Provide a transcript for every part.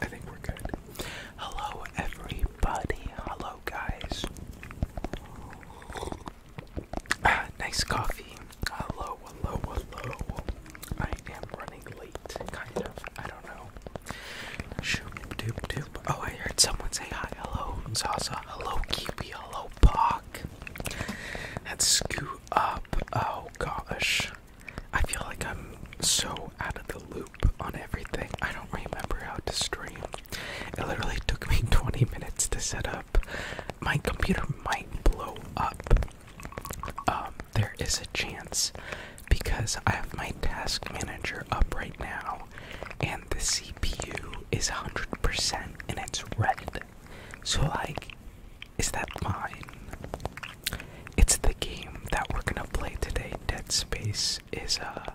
I think we're good. Hello, everybody. Hello, guys. Ah, nice coffee. Hello, hello, hello. I am running late, kind of. I don't know. Shoop, doop, doop. Oh, I heard someone say hi. Hello, Zaza. Hello, Kiwi. Hello, Pock. Let's scoot up. Oh, gosh. I feel like I'm so out of the loop on everything. I don't remember how to stream. It literally took me 20 minutes to set up. My computer might blow up. Um, there is a chance because I have my task manager up right now and the CPU is 100% and it's red. So, like, is that mine? It's the game that we're gonna play today. Dead Space is uh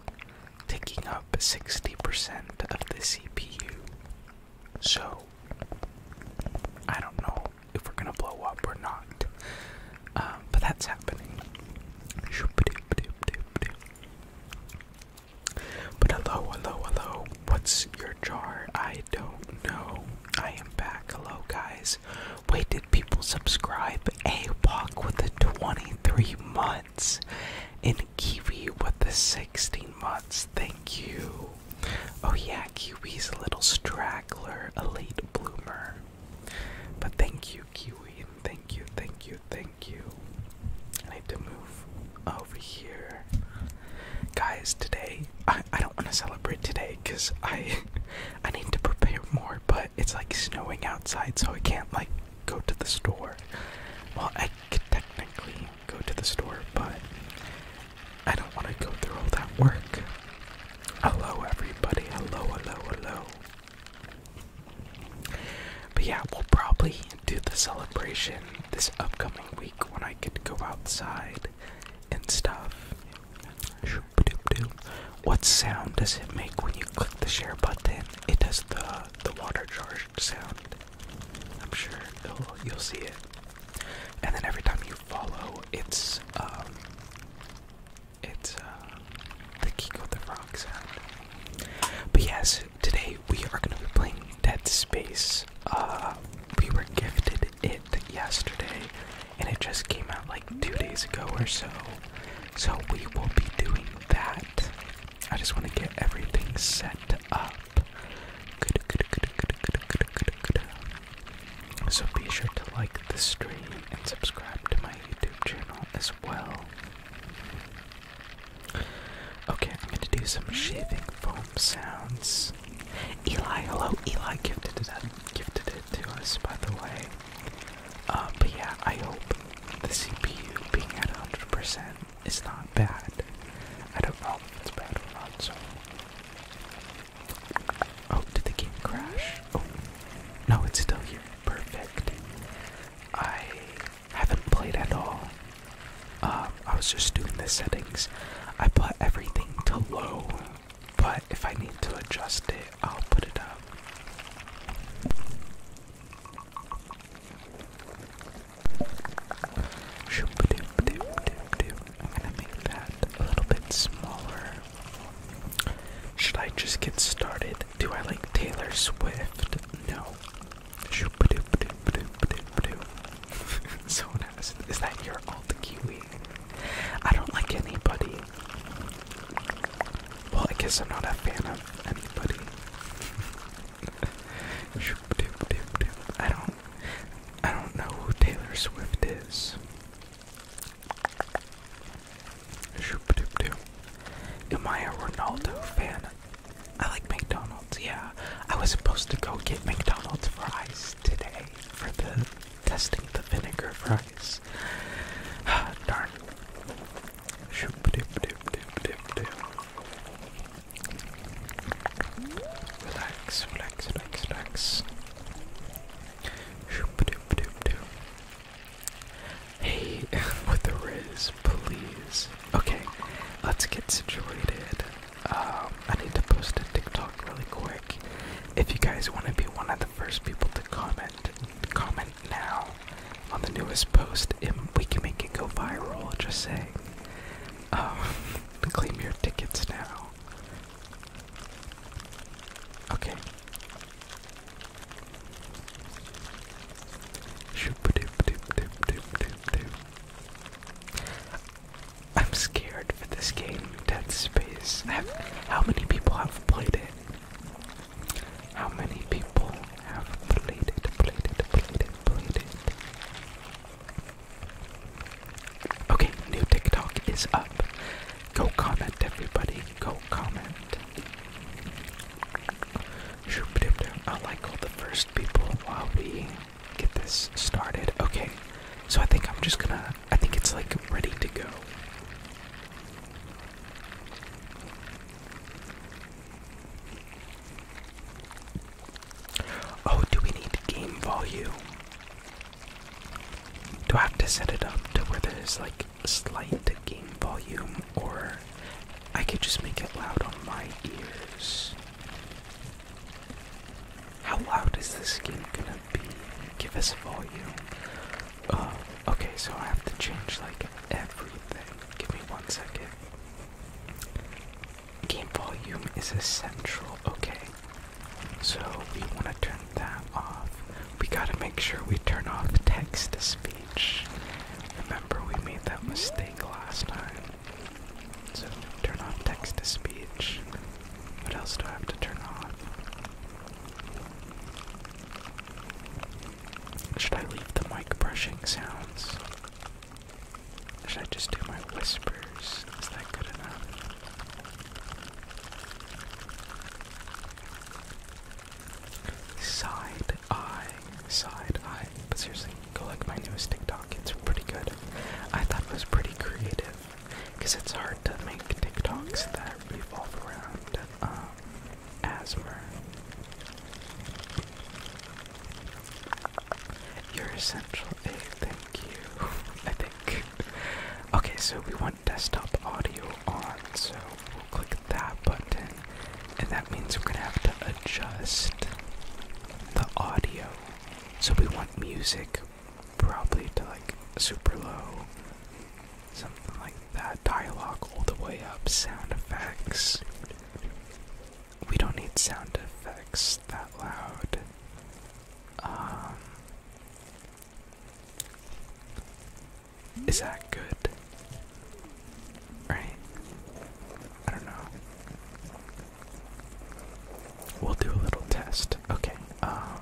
taking up 60% of the CPU. So I don't know if we're gonna blow up or not. Um, but that's happening. But hello, hello, hello. What's your jar? I don't know. I am back. Hello, guys. Wait, did people subscribe? A Walk with the 23 months, and Kiwi with the 16 months. Thank you. Oh, yeah, Kiwi's a little straggler, a late bloomer. But thank you, Kiwi, thank you, thank you, thank you. I need to move over here. Guys, today I, don't want to celebrate today because I I need to prepare more, but it's like snowing outside, so I can't like go to the store. Well, I could technically go to the store, but I don't want to go through all that work. Hello, everybody. Hello, hello, hello. But yeah, we'll probably do the celebration this upcoming week when I get to go outside and stuff. What sound does it make when you click the share button? It does the the water jar sound. I'm sure you'll you'll see it. And then every time you follow, it's um, it's uh, the kick of the frog sound. But yes, today we are gonna be playing Dead Space. Uh, we were gifted it yesterday, and it just came out like two days ago or so. So we will be doing that. I just want to get everything set up. So be sure to like the stream and subscribe to my YouTube channel as well. Okay, I'm gonna do some shaving foam sounds. Eli, hello, Eli gifted it, gifted it to us, by the way. Uh, but yeah, I hope the CPU being at 100% is not bad. I don't know if it's bad or not, so... Oh, did the game crash? Oh, no, it's still here. Perfect. I haven't played at all. Um, I was just doing the settings. I put everything to low but if I need to adjust it, I'll put it up. I'm gonna make that a little bit smaller. Should I just get started? Do I like Taylor Swift? No. Someone asked, is that your alt Kiwi? I don't like anybody. Well, I guess I'm not a fan of anybody. I don't I don't know who Taylor Swift is. Am I a Ronaldo fan? I like McDonald's, yeah. I was supposed to go get McDonald's fries today for the testing the vinegar fries. darn. Hey, with the riz, please. Okay, let's get situated. Um, I need to post a TikTok really quick. If you guys want to be one of the first people to comment, comment now on the newest post, and we can make it go viral. Just say, um, claim your tickets now. Okay. I'm scared for this game, Dead Space. how many people have played it? How many people have played it, played it, played it, played it? Okay, new TikTok is up. Go comment, everybody. Go comment. I like all the first people while we get this started. Okay, so I think I'm just gonna I think it's like ready to go. Oh, do we need game volume? Do I have to set it up to where there's like slight game volume, or I could just make it loud on my ears? How loud is this game gonna be? Give us volume. Uh, okay, so I have to change like everything. Give me one second. Game volume is essential. Okay, so we wanna turn that off. We gotta make sure we turn off text to speech. Remember, we made that mistake last time. So turn off text to speech. What else do I have to turn off? Should I leave the mic brushing sounds? Should I just do my whispers? Is that good enough? Side eye, side eye. But seriously, go like my newest TikTok. It's pretty good. I thought it was pretty creative because it's hard to make TikToks that revolve around um, asthma. You're essential. A, thank you. I think. Okay, so we want desktop audio on, so we'll click that button, and that means we're gonna have to adjust the audio. So we want music probably to like super low, something like that. Dialogue all the way up, sound effects. We don't need sound effects that loud. Um, is that good? Right? I don't know. We'll do a little test. Okay. Um,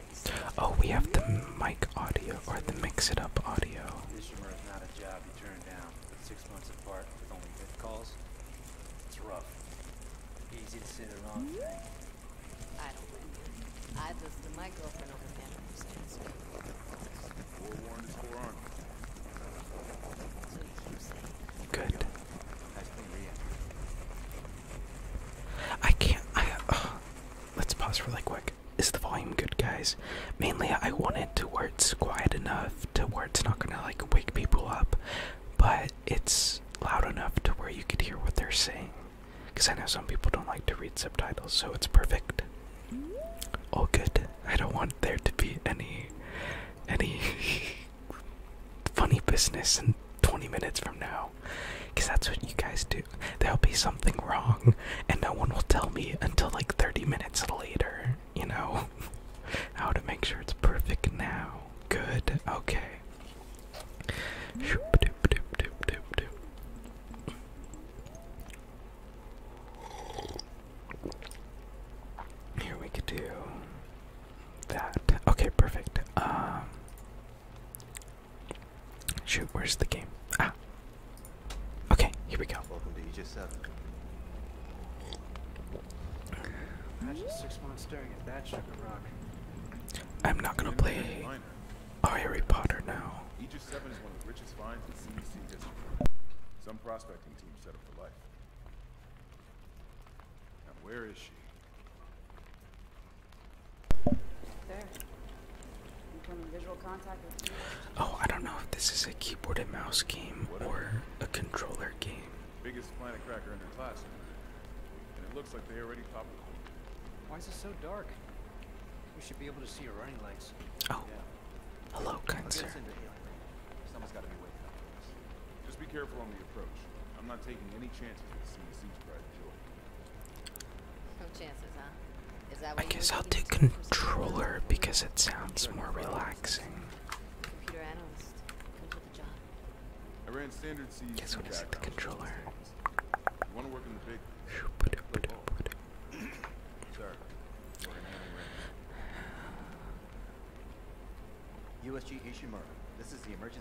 Oh, we have the mic audio or the mix it up audio. This rumor is not a job you turn down. Six months apart with only good calls. It's rough. Easy to say the I can't. let's pause really quick. Is the volume good, guys? Mainly, I want it to where it's quiet enough to where it's not gonna like wake people up, but it's loud enough to where you could hear what they're saying. Because I know some people don't like to read subtitles, so it's perfect. All good. I don't want there to be any, any funny business in 20 minutes from now. Because that's what you guys do. There'll be something wrong, and no one will tell me until like 30 minutes later, you know? How to make sure it's perfect now. Good, okay. Here we could do that. Okay, perfect. Um, Shoot, where's the game? Ah. Okay, here we go. Welcome to EJ7. I'm not gonna play Harry Potter now. EJ7 is one of the richest finds in CBC history. Some prospecting team set up for life. Now where is she? Oh, I don't know if this is a keyboard and mouse game or a controller game. Biggest planet cracker in their class. And it looks like they already popped Why is it so dark? We should be able to see your running legs. Oh. Yeah. Hello, kind sir. Just be careful on the approach. I'm not taking any chances with seeing a siege pride joy. I guess I'll do controller because it sounds more relaxing. Computer analyst, comes with the job. I ran standard C. Guess what is it? The controller. You want to work in the big? Put it, put it, put it. USG Ishimura, this is the emergency.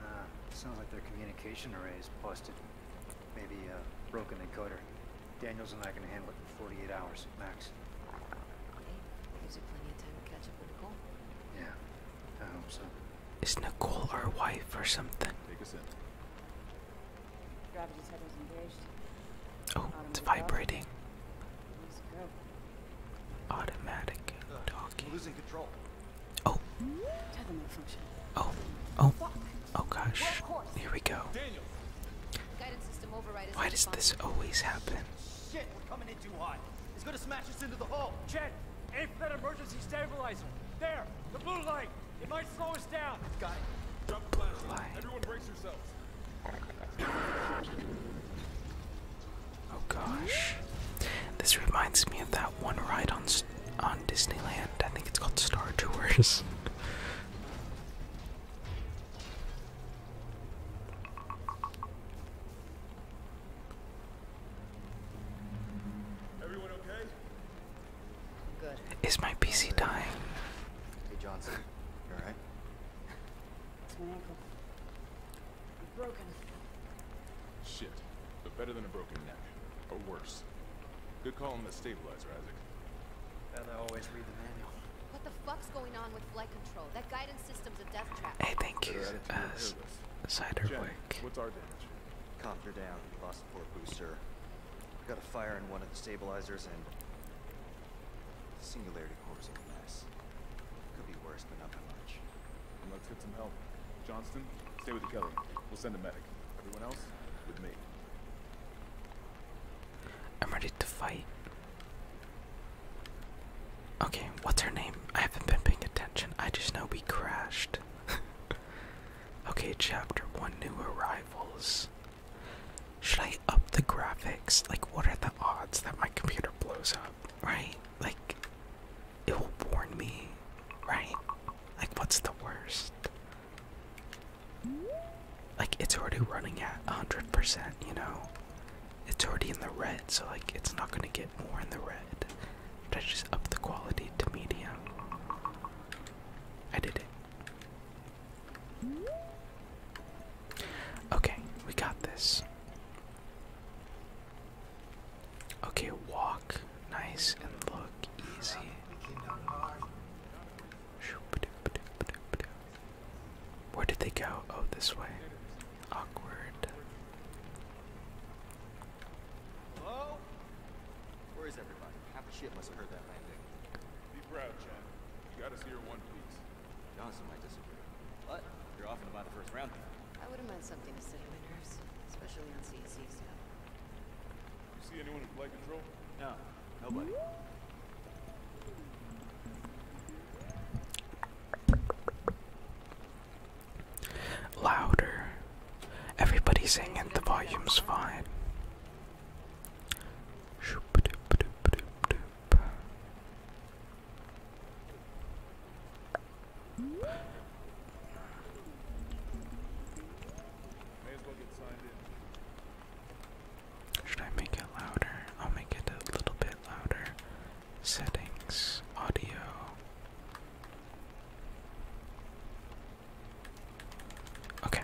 Uh, sounds like their communication array is busted. Maybe a broken encoder. Daniels and I can handle it in 48 hours, max. Okay. Gives you plenty of time to catch up with Nicole. Yeah, I hope so. Is Nicole our wife or something? Take us in. Gravity's head was engaged. Oh, it's vibrating. Automatic talking. Losing control. Oh. Oh. Oh. Oh gosh. Here we go. Why does this always happen? Shit, we're coming in too hot. It's gonna smash us into the hull. Jet, aim for that emergency stabilizer. There, the blue light. It might slow us down. Got it. the blue light. Everyone brace yourselves. Oh gosh. This reminds me of that one ride on on Disneyland. I think it's called Star Tours. Everyone okay? Is my PC dying? Hey Johnson, you alright? It's my ankle. I'm broken. Shit. But better than a broken neck. Or worse. Good call on the stabilizer, Isaac. And I always read the manual. What the fuck's going on with flight control? That guidance system's a death trap. Hey, thank you, uh, Ciderwick. What's our damage? Copter down. Lost the port booster. Got a fire in one of the stabilizers and... Singularity core's a mess. Could be worse, but not that much some help. Johnston, stay with the Kelly. We'll send a medic. Everyone else, with me. I'm ready to fight. Okay, what's her name? I haven't been paying attention. I just know we crashed. okay, chapter one new arrivals. Should I up the graphics? Like, what are the odds that my computer blows up? Right? Like, it will warn me, right? Like, what's the worst? Like, it's already running at 100%, you know? It's already in the red, so, like, it's not gonna get more in the red. But I just up the quality to medium. I did it. Okay, we got this. Okay, walk nice and look easy. Where did they go? Oh, this way. Awkward. Half the ship must have heard that landing. Be proud, Chad. You got us here one piece. Johnson might disagree. But you're off and about the first round. I would have meant something to steady my nerves, especially on CSC stuff. You see anyone in flight control? No, nobody. Louder. Everybody's singing, the volume's fine. Should I make it louder? I'll make it a little bit louder. Settings, audio. Okay.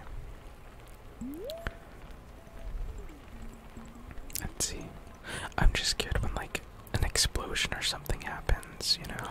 Let's see. I'm just good when like an explosion or something happens, you know.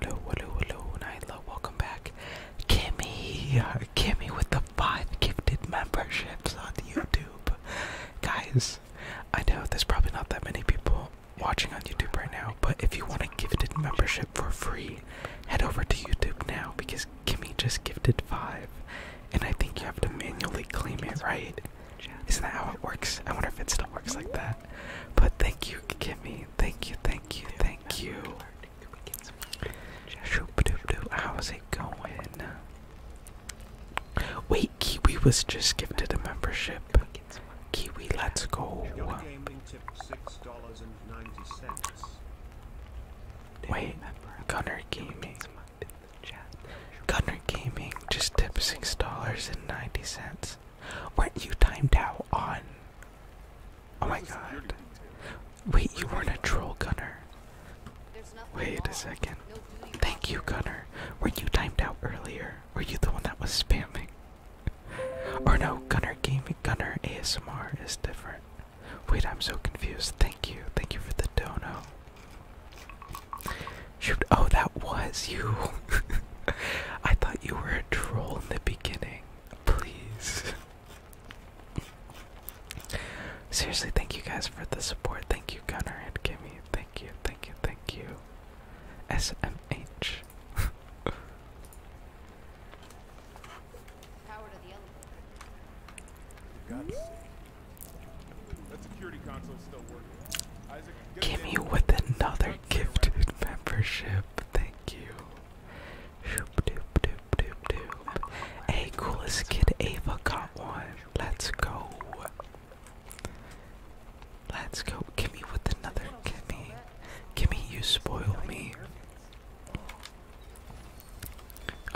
Hello, hello, hello, Nyla, welcome back. Kimmy, Kimmy with the five gifted memberships on YouTube. Guys, I know there's probably not that many people watching on YouTube right now, but if you want a gifted membership for free, head over to YouTube now because Kimmy just gifted five. And I think you have to manually claim it, right? Isn't that how it works? I wonder if it still works like that that. But thank you, Kimmy. Thank you, thank you, thank you. Shoop doop doop. How's it going? Wait, Kiwi was just gifted a membership. Kiwi, let's go. Wait, Gunner Gaming. Gunner Gaming just tipped six dollars and ninety cents were you timed out on? Oh my god. Wait, you weren't a troll gunner. Wait a second. Thank you, gunner. Were you timed out earlier? Were you the one that was spamming? Or no, gunner gaming, gunner ASMR is different. Wait, I'm so confused. Thank you. Thank you for the dono oh, that was you. I thought you were a troll in the beginning. Please. Seriously, thank you guys for the support. Thank you, Gunner and Kimmy. Thank you, thank you, thank you. SMH. Kimmy with another gift, membership. Thank you. Shoop doop doop doop doop. Hey, coolest kid Ava got one. Let's go. Let's go. Kimmy with another Kimmy. Kimmy, you spoil me.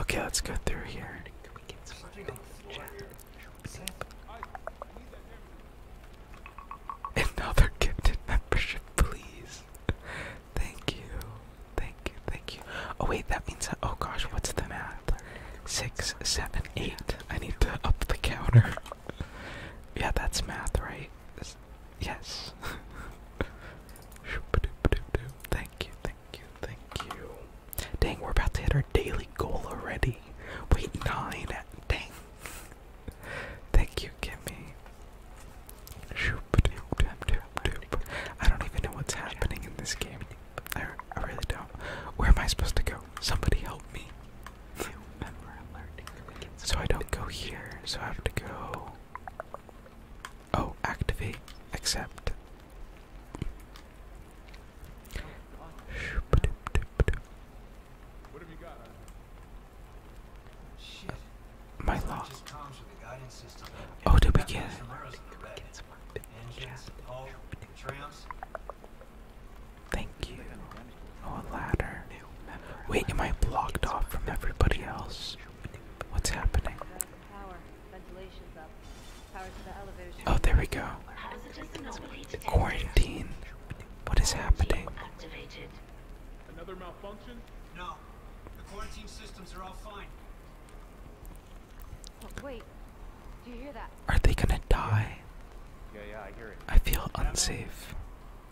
Okay, let's go through here. Another gifted membership, please. Thank you. Thank you. Thank you. Oh wait, that means oh gosh, what's the math? Six, seven, eight. I need to up the counter. yeah, that's math, right? Yes. thank you, thank you, thank you. Dang, we're about to hit our daily goal already. Wait, nine. Dang. Thank you, Kimmy. I don't even know what's happening in this game. I, I really don't. Where am I supposed to go? Somebody help me. So I don't go here, so I have to go. Oh, activate, accept. What have you got? Shit. My lock. Oh, to begin. Thank you. Oh, a ladder. Wait, am I blocked off from everybody else? What's happening? Oh, there we go. Quarantine. What is happening? Activated. Another malfunction? No. The quarantine systems are all fine. Oh, wait. Do you hear that? Are they gonna die? Yeah, yeah, I hear it. I feel unsafe.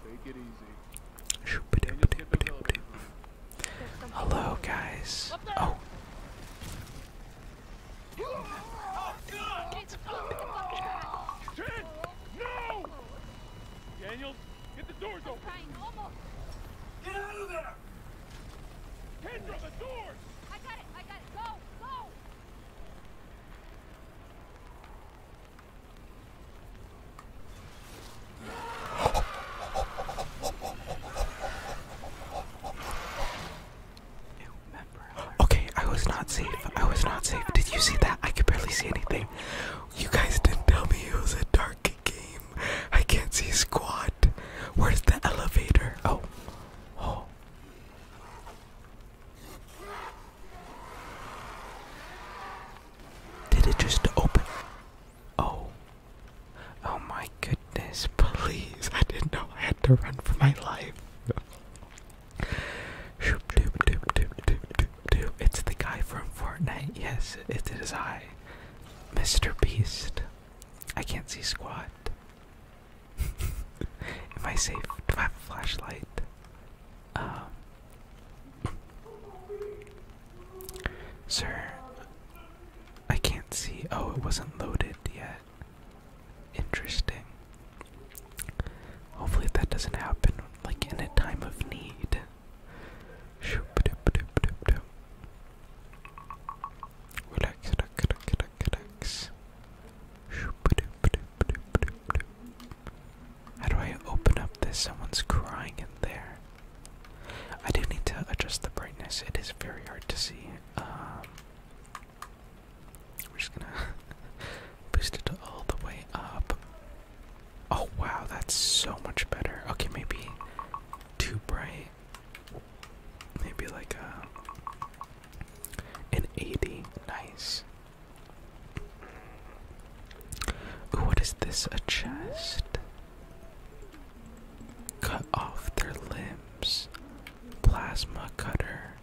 Take it easy. Hello, guys. oh no! Daniels, get the doors open! Get out of there! Kendra, the doors! I got it, I got it, go, go! Okay, I was not safe. I was not safe. Did you see that? I could barely see anything. You guys didn't tell me it was a dark game. I can't see squat. Where's the elevator? Oh. Oh. Did it just open? Oh. Oh my goodness, please. I didn't know I had to run for my life. It's the guy from Fortnite. Yes, it is I, Mr. Beast. I can't see squad. Am I safe? Do I have a flashlight? Um, sir, I can't see. Oh, it wasn't loaded yet. Interesting. Hopefully that doesn't happen like in a time of need. Relax, relax, relax, relax. How do I open up this? Someone's crying in there. I do need to adjust the brightness. It is very hard to see. Um, we're just gonna boost it all the way up. Oh wow, that's so much better. Okay, maybe too bright. Maybe like a uh, an 80. Nice. Ooh, what is this? A chest? Cut off their limbs. Plasma cutter.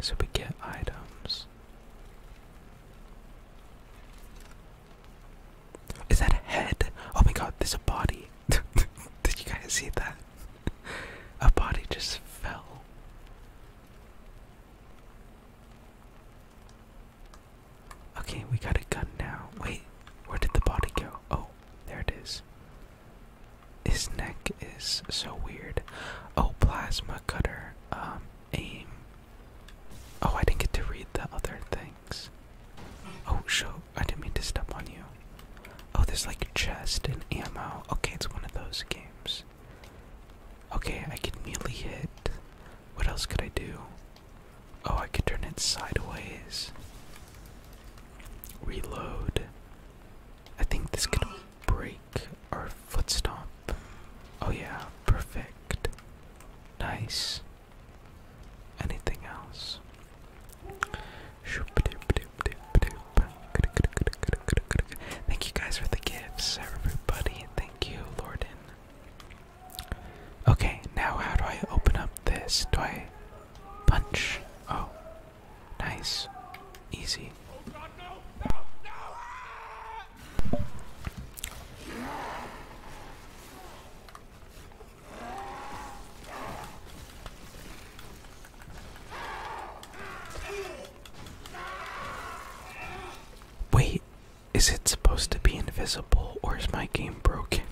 So we get items. Is that a head? Oh my god, there's a body. Did you guys see that? A body just fell. Okay, we got a gun now. Wait, where did the body go? Oh, there it is. His neck is so weird. Oh, plasma cutter. Um, Oh, I didn't get to read the other things. Oh, show. I didn't mean to step on you. Oh, there's like chest and ammo. Okay, it's one of those games. Okay, I can melee hit. What else could I do? Oh, I could turn it sideways. Reload. I think this could break or foot stomp. Oh yeah, perfect. Nice. Anything else? Thank you guys for the gifts, everybody. Thank you, Lorden. Okay, now how do I open up this? Do I punch? Oh, nice. Easy. Wait, is it supposed to be invisible or is my game broken?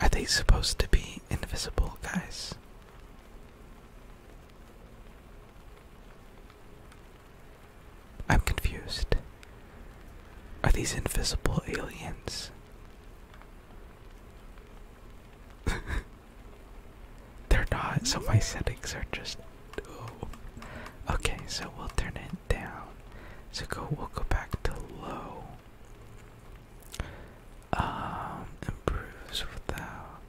Are they supposed to be invisible, guys? I'm confused. Are these invisible aliens? They're not, so my settings are just. Oh. Okay, so we'll turn it down. So go, we'll go back to low. Um, improves without.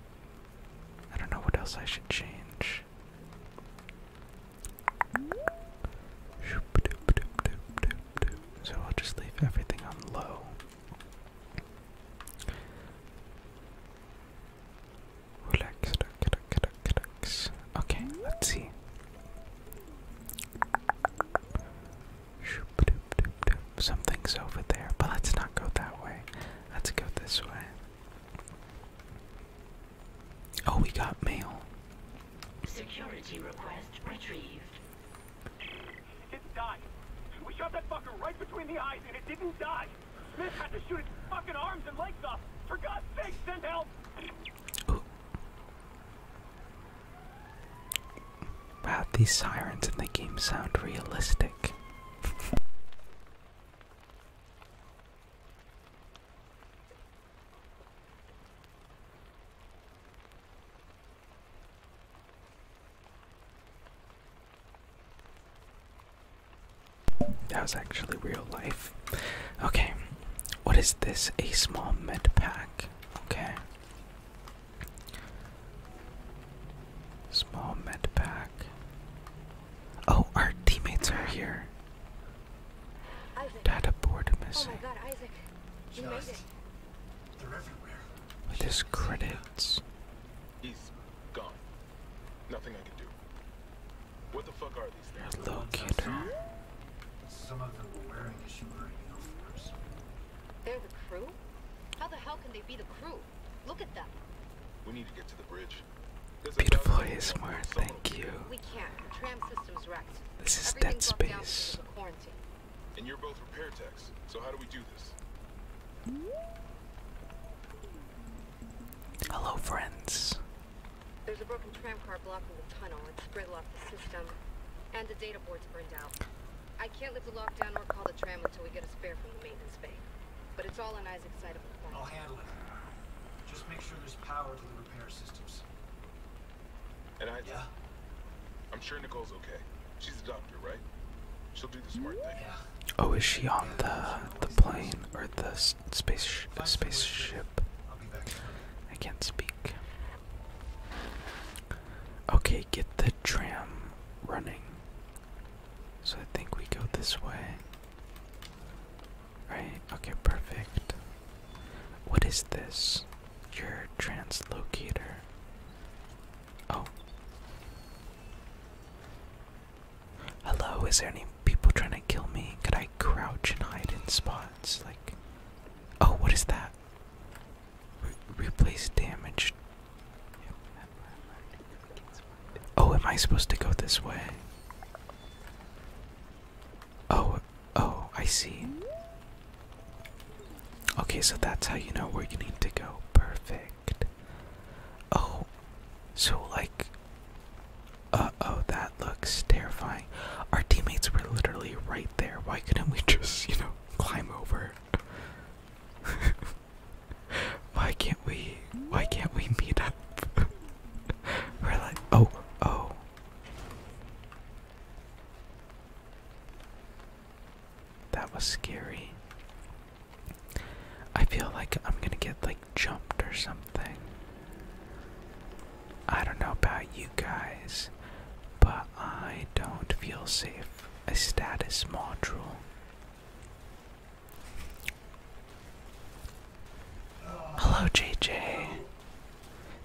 I don't know what else I should change. So I'll just leave everything on low. Relax, relax, relax. Okay, let's see. Something's over there, but let's not go that way. Let's go this way. Oh, we got mail. Security request retrieved. It died. We shot that fucker right between the eyes and it didn't die. Smith had to shoot its fucking arms and legs off. For God's sake, send help! Wow, these sirens in the game sound realistic. That was actually real life. Okay, what is this? A small med pack. Okay. Small med pack. Oh, our teammates are here. Isaac. Data board missing. Oh my god, Isaac. They're everywhere. With his credits. He's gone. Nothing I can do. What the fuck are these things? Locator. Some of them were wearing a shivering They're the crew? How the hell can they be the crew? Look at them. We need to get to the bridge. There's Beautiful ASMR, thank you. We can't. The tram system's wrecked. This is dead space. Quarantine. And you're both repair techs, so how do we do this? Hello, friends. There's a broken tram car blocking the tunnel. It's gridlocked the system, and the data board's burned out. I can't lift the lockdown or call the tram until we get a spare from the maintenance bay. But it's all on Isaac's side I'll handle it. Just make sure there's power to the repair systems. And I... Yeah? I'm sure Nicole's okay. She's a doctor, right? She'll do the smart thing. Yeah. Oh, is she on the the plane or the space the spaceship? I can't speak. Okay, get the tram running. So I think we go this way. Right? Okay, perfect. What is this? Your translocator. Oh. Hello, is there any people trying to kill me? Could I crouch and hide in spots? Like. Oh, what is that? replace damaged Oh, am I supposed to go this way? Oh, oh, I see. Okay, so that's how you know where you need to go. Perfect. Oh, so like. Uh oh, that looks terrifying. Our teammates were literally right there. Why couldn't we just, you know, climb over? Why can't we? Why can't we meet up? We're like, oh, oh. That was scary. I feel like I'm gonna get like jumped or something. I don't know about you guys, but I don't feel safe. A status module. Hello, JJ.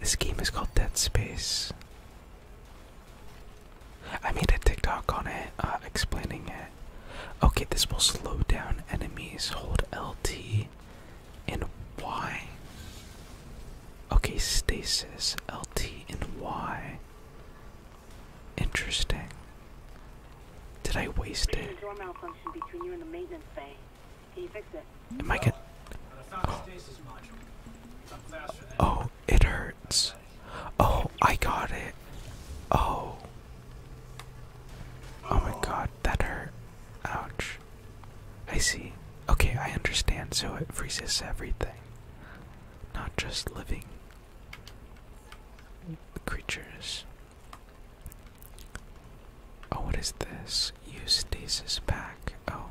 This game is called Dead Space. I made a TikTok on it, uh, explaining it. Okay, this will slow down enemies. Hold LT and Y. Okay, stasis. LT and Y. Interesting. Did I waste it? Door malfunction between you and the maintenance bay. Can you fix it? Am I get? Oh. oh, it hurts. Oh, I got it. Oh. Oh my god, that hurt. Ouch. I see. Okay, I understand. So it freezes everything. Not just living creatures. Oh, what is this? Eustasis stasis pack. Oh,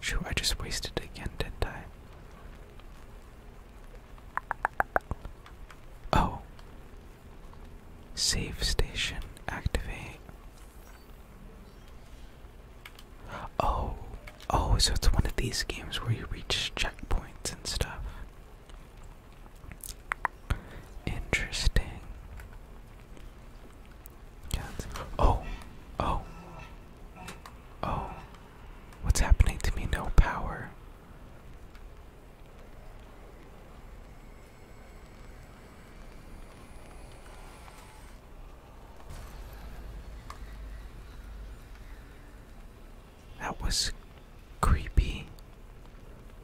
shoot, I just wasted it again, didn't I? Oh. Save station activate. Oh, oh, so it's one of these games where you reach checkpoints and stuff. Interesting. Oh, oh, oh. What's happening to me? No power. That was creepy.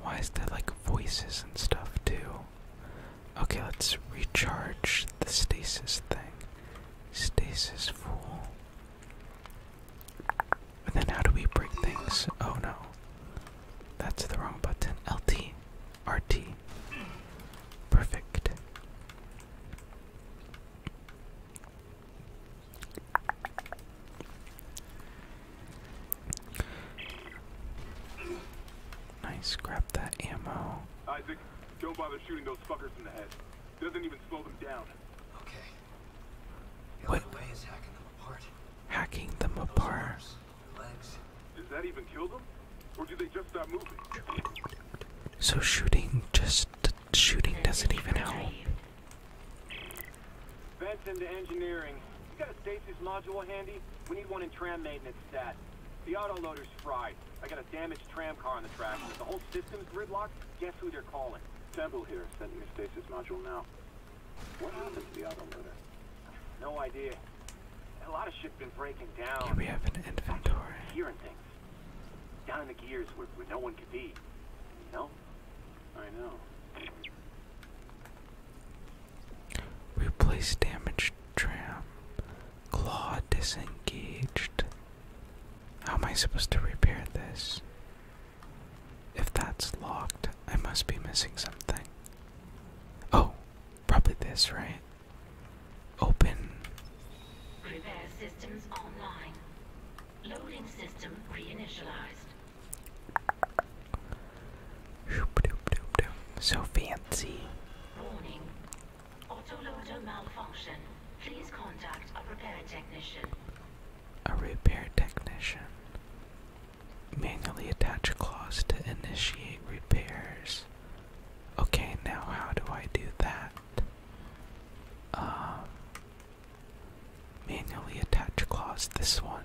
Why is there like voices and stuff too? Okay, let's recharge the stasis thing. Stasis fool. And then how do we break things? Oh no. That's the wrong button. LT. RT. Perfect. Nice, grab that ammo. Isaac, don't bother shooting those fuckers in the head. Doesn't even slow them down. Okay. what? is hacking them apart. Hacking them apart. legs. Does that even kill them? Or do they just stop moving? So shooting just shooting doesn't even help. Benson to engineering. You got a stasis module handy? We need one in tram maintenance stat. The autoloader's fried. I got a damaged tram car on the tracks. The whole system's gridlocked. Guess who they're calling? Temple here, sending a stasis module now. What happened to the autoloader? No idea. A lot of shit's been breaking down. Yeah, we have an inventory. Hearing things. Down in the gears where, where no one could be. You know? I know. Replace damaged tram. Claw disengaged. How am I supposed to repair this? If that's locked, I must be missing something. Oh, probably this, right? Open. Loading system reinitialized. So fancy. Warning. auto loader malfunction. Please contact a repair technician. A repair technician. Manually attach a clause to initiate repairs. Okay, now how do I do that? Um Manually attach claws, this one.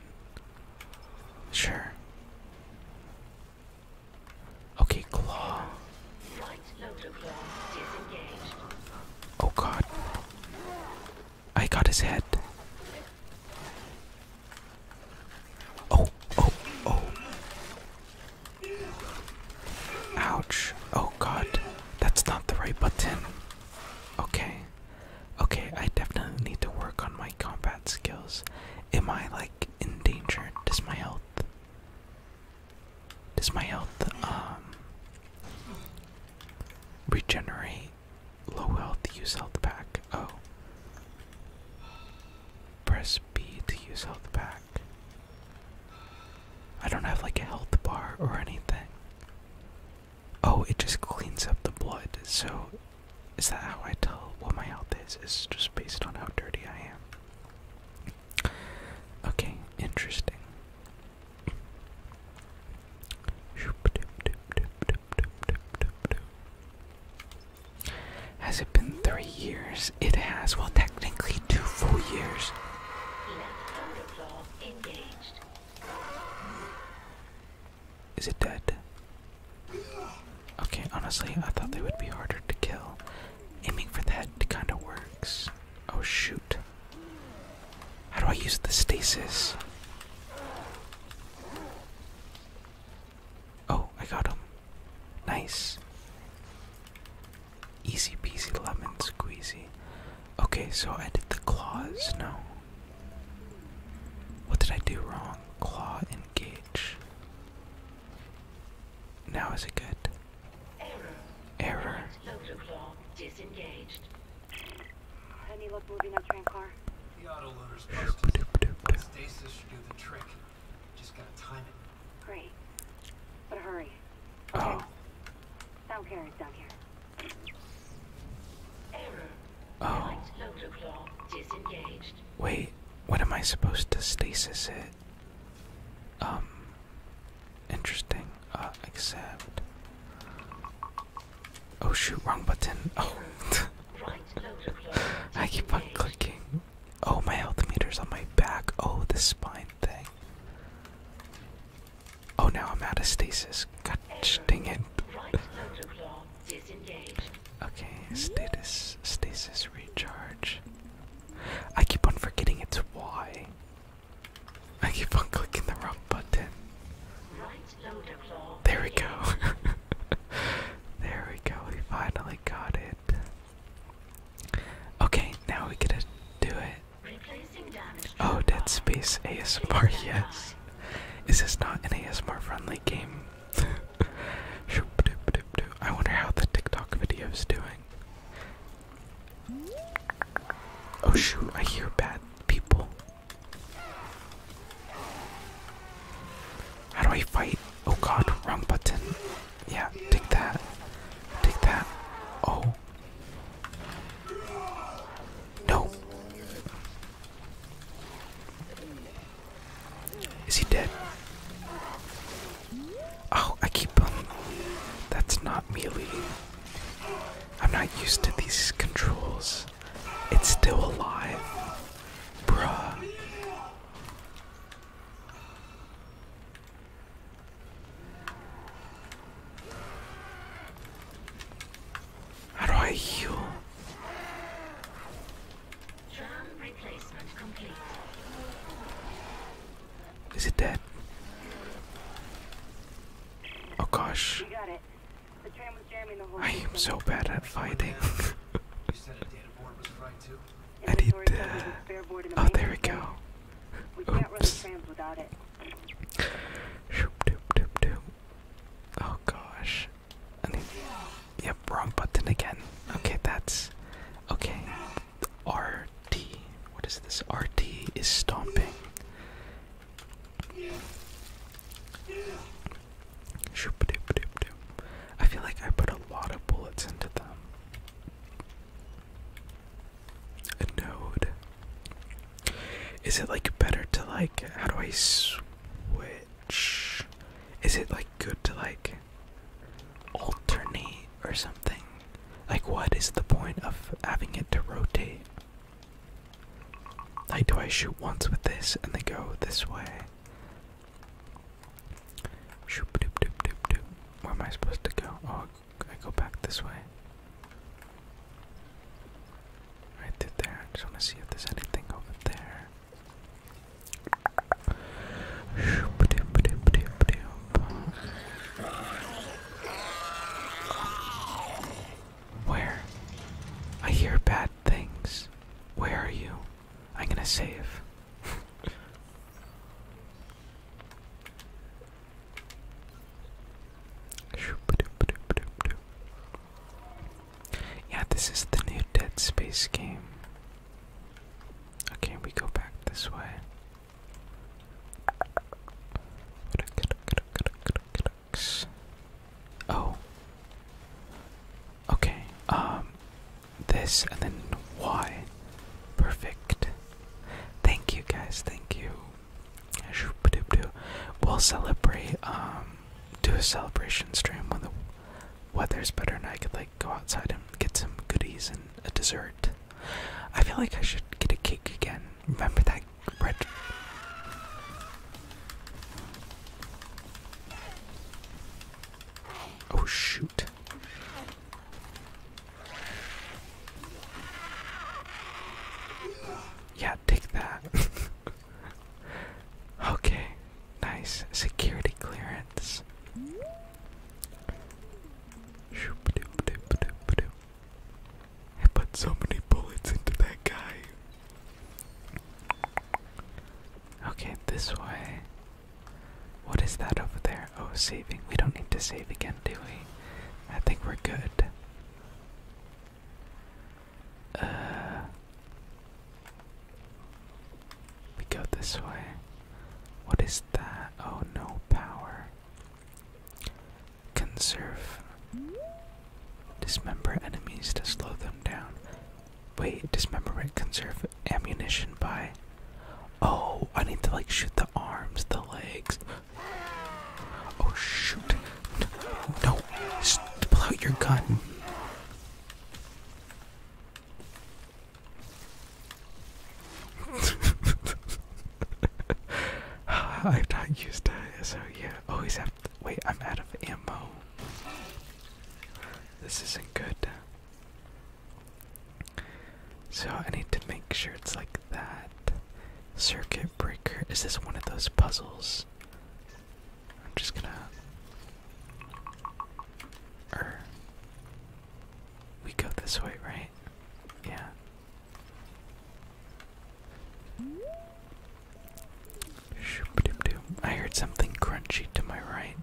Sure. Okay, claw. Oh god. I got his head. Oh, oh, oh. Ouch. Oh god. That's not the right button. Okay. Okay, I definitely need to work on my combat skills. Am I like in danger? Does my health does my health um regenerate? Low health use health pack. Oh. Press B to use health pack. I don't have like a health bar or anything. Oh, it just cleans up the blood. So, is that how I tell what my health is? Is just based on how dirty I am. Okay, interesting. Has it been three years? It has. Well, technically, two full years. Is it dead? Okay, honestly, I thought they would be harder to kill. Aiming for the head kind of works. Oh shoot. How do I use the stasis? Oh, I got him. Nice. Easy peasy lemon squeezy. Okay, so I did the claws. No, what did I do wrong? Claw engage. Now is it good? Error. Error. Loader claw disengaged. Any luck moving that train car? The auto loader's busted. Stasis should do the trick. Just gotta time it. Great. But hurry. Oh. Sound carriers down here. Oh. Wait, what am I supposed to stasis it? Um. Interesting. Uh, except. Oh shoot, wrong button. Oh. I keep on clicking. Oh, my health meter's on my back. Oh, the spine thing. Oh, now I'm out of stasis. God ding it. okay, status, stasis recharge. I keep on forgetting it's Y. I keep on clicking the wrong button. There we go. there we go. We finally got it. Okay, now we get to do it. Oh, Dead Space ASMR, yes. Is this not an ASMR friendly game? I wonder how the TikTok video doing. Oh shoot, I hear bad people. How do I fight? Oh god, wrong button. Yeah, take that. Take that. Oh. No. Is he dead? Oh, I keep on. Um, that's not melee. I'm not used to these controls. It's still alive. Bruh. How do I heal? Drum replacement complete. Is it dead? Oh gosh. I am so bad at fighting. you said a data board was right too? I need uh, Oh there we go. We can't run the trams without it. Shoop doop doop doop. Oh gosh. I need, wrong button again. Okay, that's okay. RT. What is this? RT is stomping. I feel like I put a lot of bullets into them. A node. Is it like better to like how do I switch? Is it like good to like alternate or something? Like what is the point of having it to rotate? Like do I shoot once with this and then go this way? Shoop doop doop doop doop. Where am I supposed to go? Oh I go back this way. Right there. I just want to see if there's anything over there. Where? I hear bad things. Where are you? I'm gonna save. Yeah, this is the new Dead Space game. Okay, we go back this way. Oh. Okay, um, this and then Y. Perfect. Thank you guys, thank you. We'll celebrate, um, do a celebration stream when the weather's better and I could, like, go outside and get some goodies and a dessert. I feel like I should get a cake again. Remember that red. Oh, shoot. Yeah, take that. okay, nice security clearance. I put so many bullets into that guy. Okay, this way. What is that over there? Oh, saving. We don't need to save again, do we? I think we're good. Uh, we go this way. What is that? Oh, no power. Conserve. Dismember enemies to slow them down. Wait, dismemberment conserve ammunition by. Oh, I need to like shoot the arms, the legs. Oh, shoot. No, just pull out your gun. I've not used it, so yeah. Always have. To, wait, I'm out of ammo. This isn't good. So I need to make sure it's like that. Circuit breaker. Is this one of those puzzles? I'm just gonna. Er, we go this way, right? Yeah. I heard something crunchy to my right.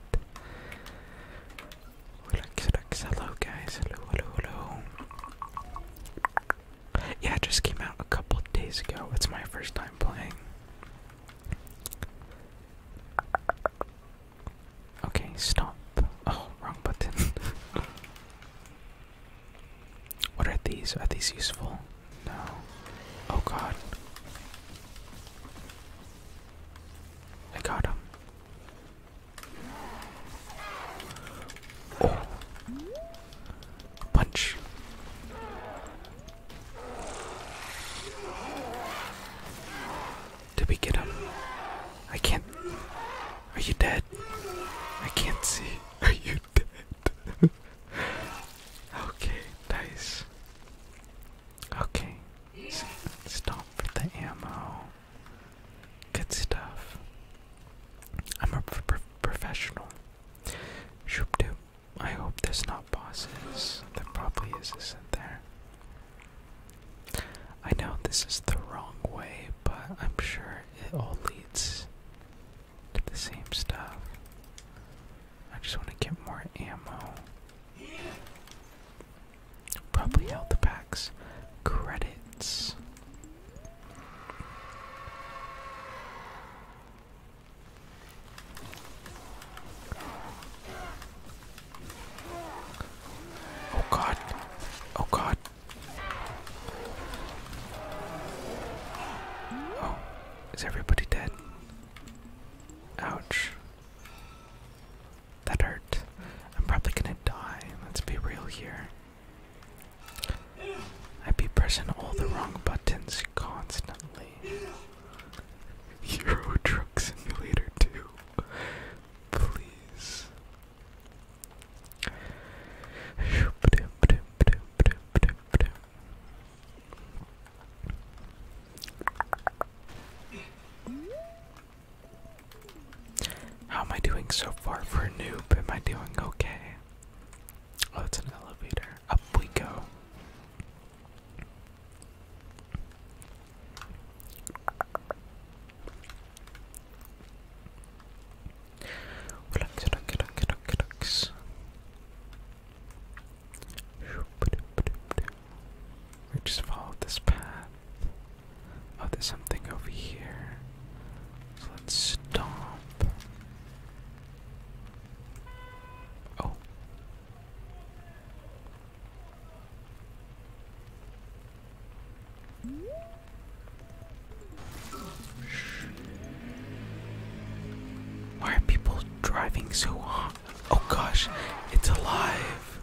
Hello, guys. Hello, hello, hello. Yeah, it just came out a couple days ago. It's my first time playing. Okay, stop. Oh, wrong button. what are these? Are these useful? No. Oh god. I got him. Punch. Did we get him? I can't. Are you dead? I can't see. Are you dead? okay, nice. Okay, so stop for the ammo. Good stuff. I'm a professional. Shoop doop. I hope there's not bosses. There probably is, not there? I know this is the wrong way, but I'm sure it all leads to the same stuff. I just want to get more ammo. Probably health packs. Credits. Oh god. Oh god. Oh, is everybody dead? Ouch. That hurt. I'm probably gonna die. Let's be real here. I'd be pressing all the wrong buttons constantly. Euro Truck Simulator 2. Please. How am I doing so far for a noob? Am I doing okay? Oh, it's an elevator. Up we go. We just followed this path. Oh, there's something over here. let's stop. Oh. Why are people driving so hard? Oh gosh, it's alive.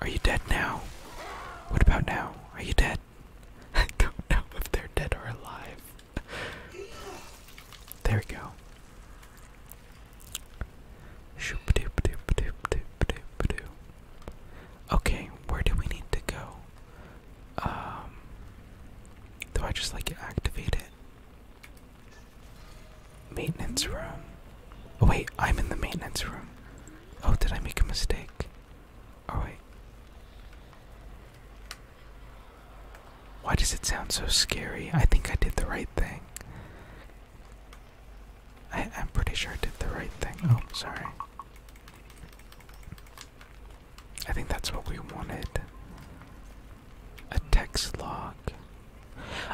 Are you dead now? What about now? Are you dead? I don't know if they're dead or alive there we go. Okay, where do we need to go? Um, do I just like activate it? Maintenance room. Oh wait, I'm in the maintenance room. Oh, did I make a mistake? Alright. Why does it sound so scary? I think I did the right thing. I, I'm pretty sure I did the right thing. Oh, sorry. I think that's what we wanted. A text log.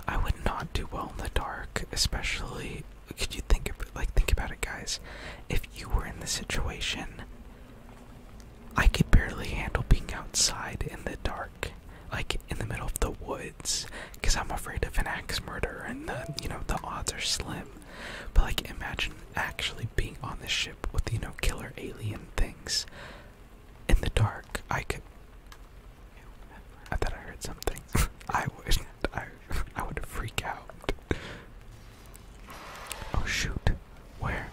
I would not do well in the dark, especially. Could you think of like think about it, guys? If you were in the situation, I could barely handle being outside in the dark, like in the middle of the woods, because I'm afraid of an axe murder and the, you know, the odds are slim. But like, imagine actually being on the ship with, you know, killer alien things in the dark. I could. I thought I heard something. I would. I, I would freak out. Oh shoot. Where?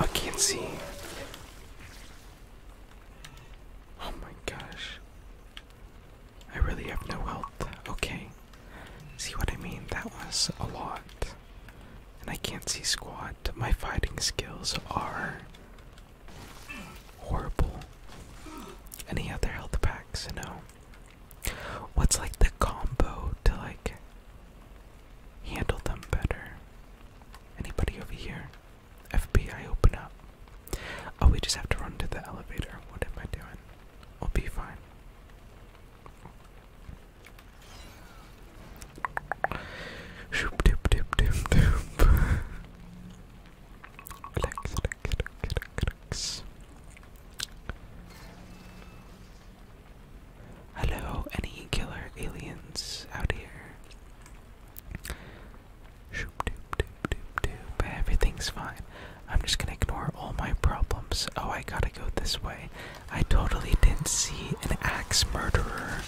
I can't see. Oh my gosh. I really have no health. Okay. See what I mean? That was a lot. And I can't see squat. My fighting skills are horrible. Any other health packs? No. What's like the combo to like handle them better? Anybody over here? FBI, open up. Oh, we just have to run to the elevator. What am I doing? i will be fine. Shoop dip dip dip dip. relax, relax, relax, relax. Hello, any killer aliens out here? Shoop dip dip dip dip. Everything's fine. I'm just gonna ignore all my problems. Oh, I gotta go this way. I totally didn't see an axe murderer.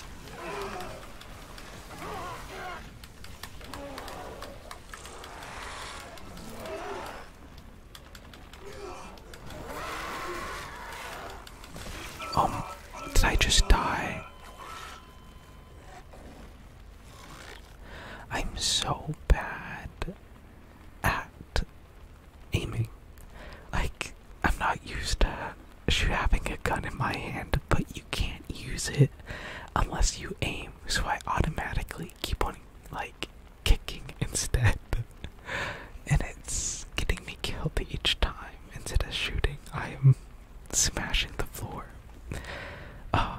Um, did I just die? I'm so bad at aiming. Like, I'm not used to having a gun in my hand, but you can't use it unless you aim, so I automatically keep on, like, kicking instead. and it's getting me killed each time. Instead of shooting, I am smashing the floor. Uh,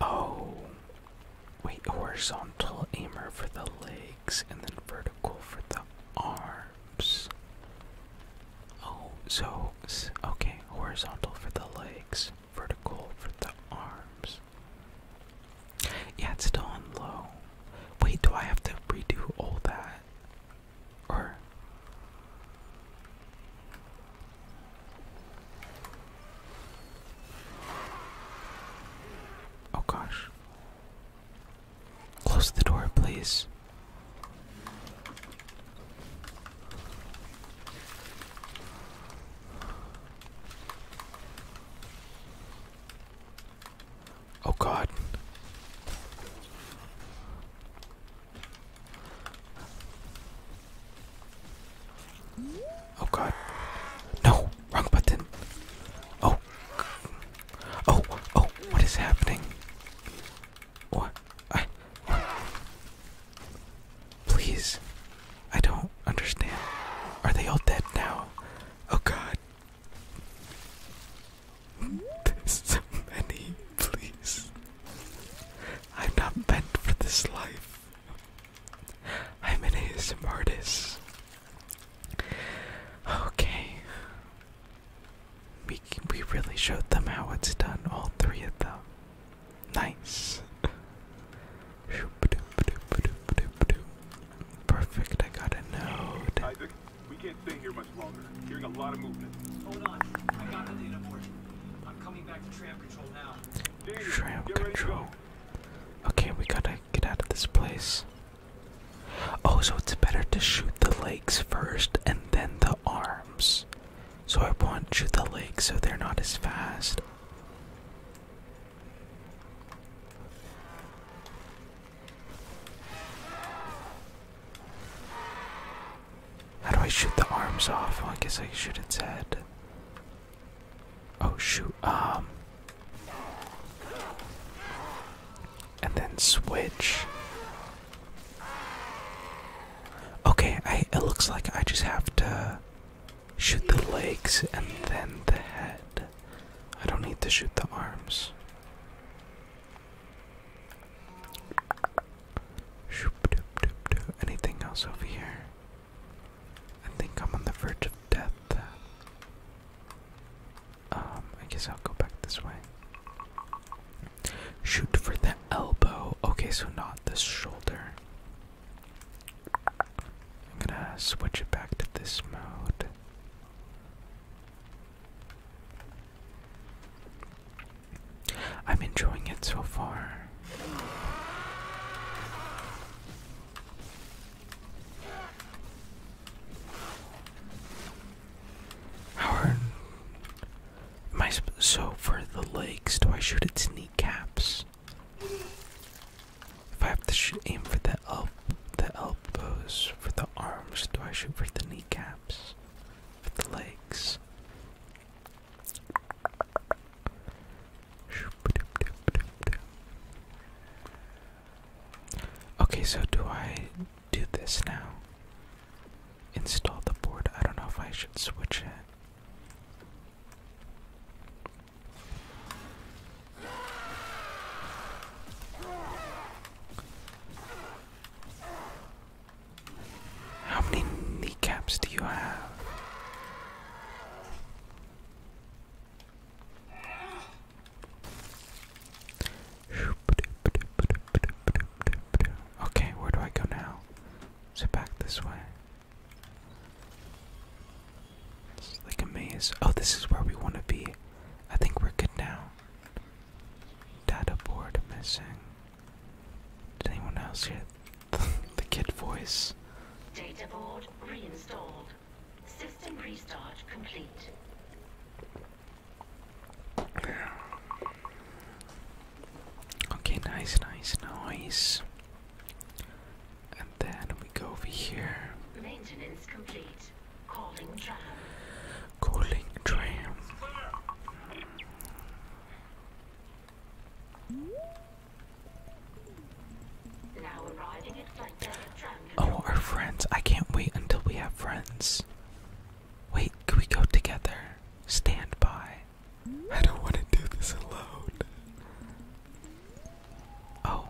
oh, wait, horizontal aimer for the legs and then vertical for the arms. Oh, so okay, horizontal for the legs, vertical for the arms. Yeah, it's still on low. Wait, do I have to redo all that? oh gosh, close the door, please. Oh god. Oh god. No, wrong button. Oh. Oh, oh, what is happening? What? I Please. I don't understand. Are they all dead now? Oh god. There's so many, please. I'm not meant for this life. I'm an ASM artist. Okay. We, we really showed them how it's done, all three of them. Nice. Perfect, I got a node. We can't stay here much longer. Hearing a lot of movement. Hold on. I got the data I'm coming back to tram control now. Daniel, tram control. Okay, we gotta get out of this place. Oh, so it's better to shoot the legs first and then the arms. So I want to shoot the legs so they're not as fast. How do I shoot the arms off? I guess I shoot its head. Oh shoot, um. And then switch. Okay, I, it looks like I just have to shoot the legs and then the head. I don't need to shoot the arms. Anything else over here? I think I'm on the verge of death. Um, I guess I'll go back this way. Shoot for the elbow. Okay, so not the shoulder. I'm gonna switch it back to this mode. I'm enjoying it so far. Howard, am so for the legs? Do I shoot its kneecaps? If I have to shoot, aim for the el the elbows. For the arms, do I shoot for the kneecaps? for the legs. Okay, so do I do this now? Install the board. I don't know if I should switch it. How many kneecaps do you have? Okay, where do I go now? Is back this way? It's like a maze. Oh, this is where we want to be. I think we're good now. Data board missing. Did anyone else hear the kid voice? Data board reinstalled. System restart complete. Okay, nice, nice, nice. And then we go over here. Maintenance complete. Calling tram. Calling tram. Oh, our friends. I can't wait until we have friends. Wait, can we go together? Stand by. I don't want to do this alone. Oh.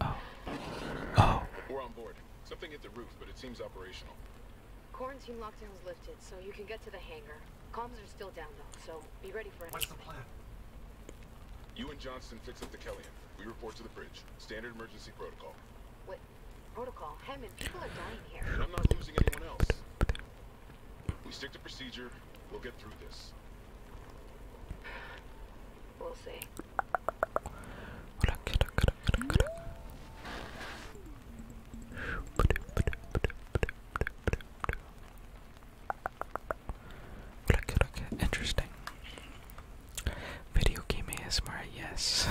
Oh. Oh. We're on board. Something hit the roof, but it seems operational. Quarantine lockdown's lifted, so you can get to the hangar. Comms are still down, though, so be ready for it. What's the plan? You and Johnston fix up the Kellyan. We report to the bridge. Standard emergency protocol. What? Protocol? Hammond, people are dying here. I'm not losing anyone else. We stick to procedure. We'll get through this. We'll see. interesting. Video game is more. yes.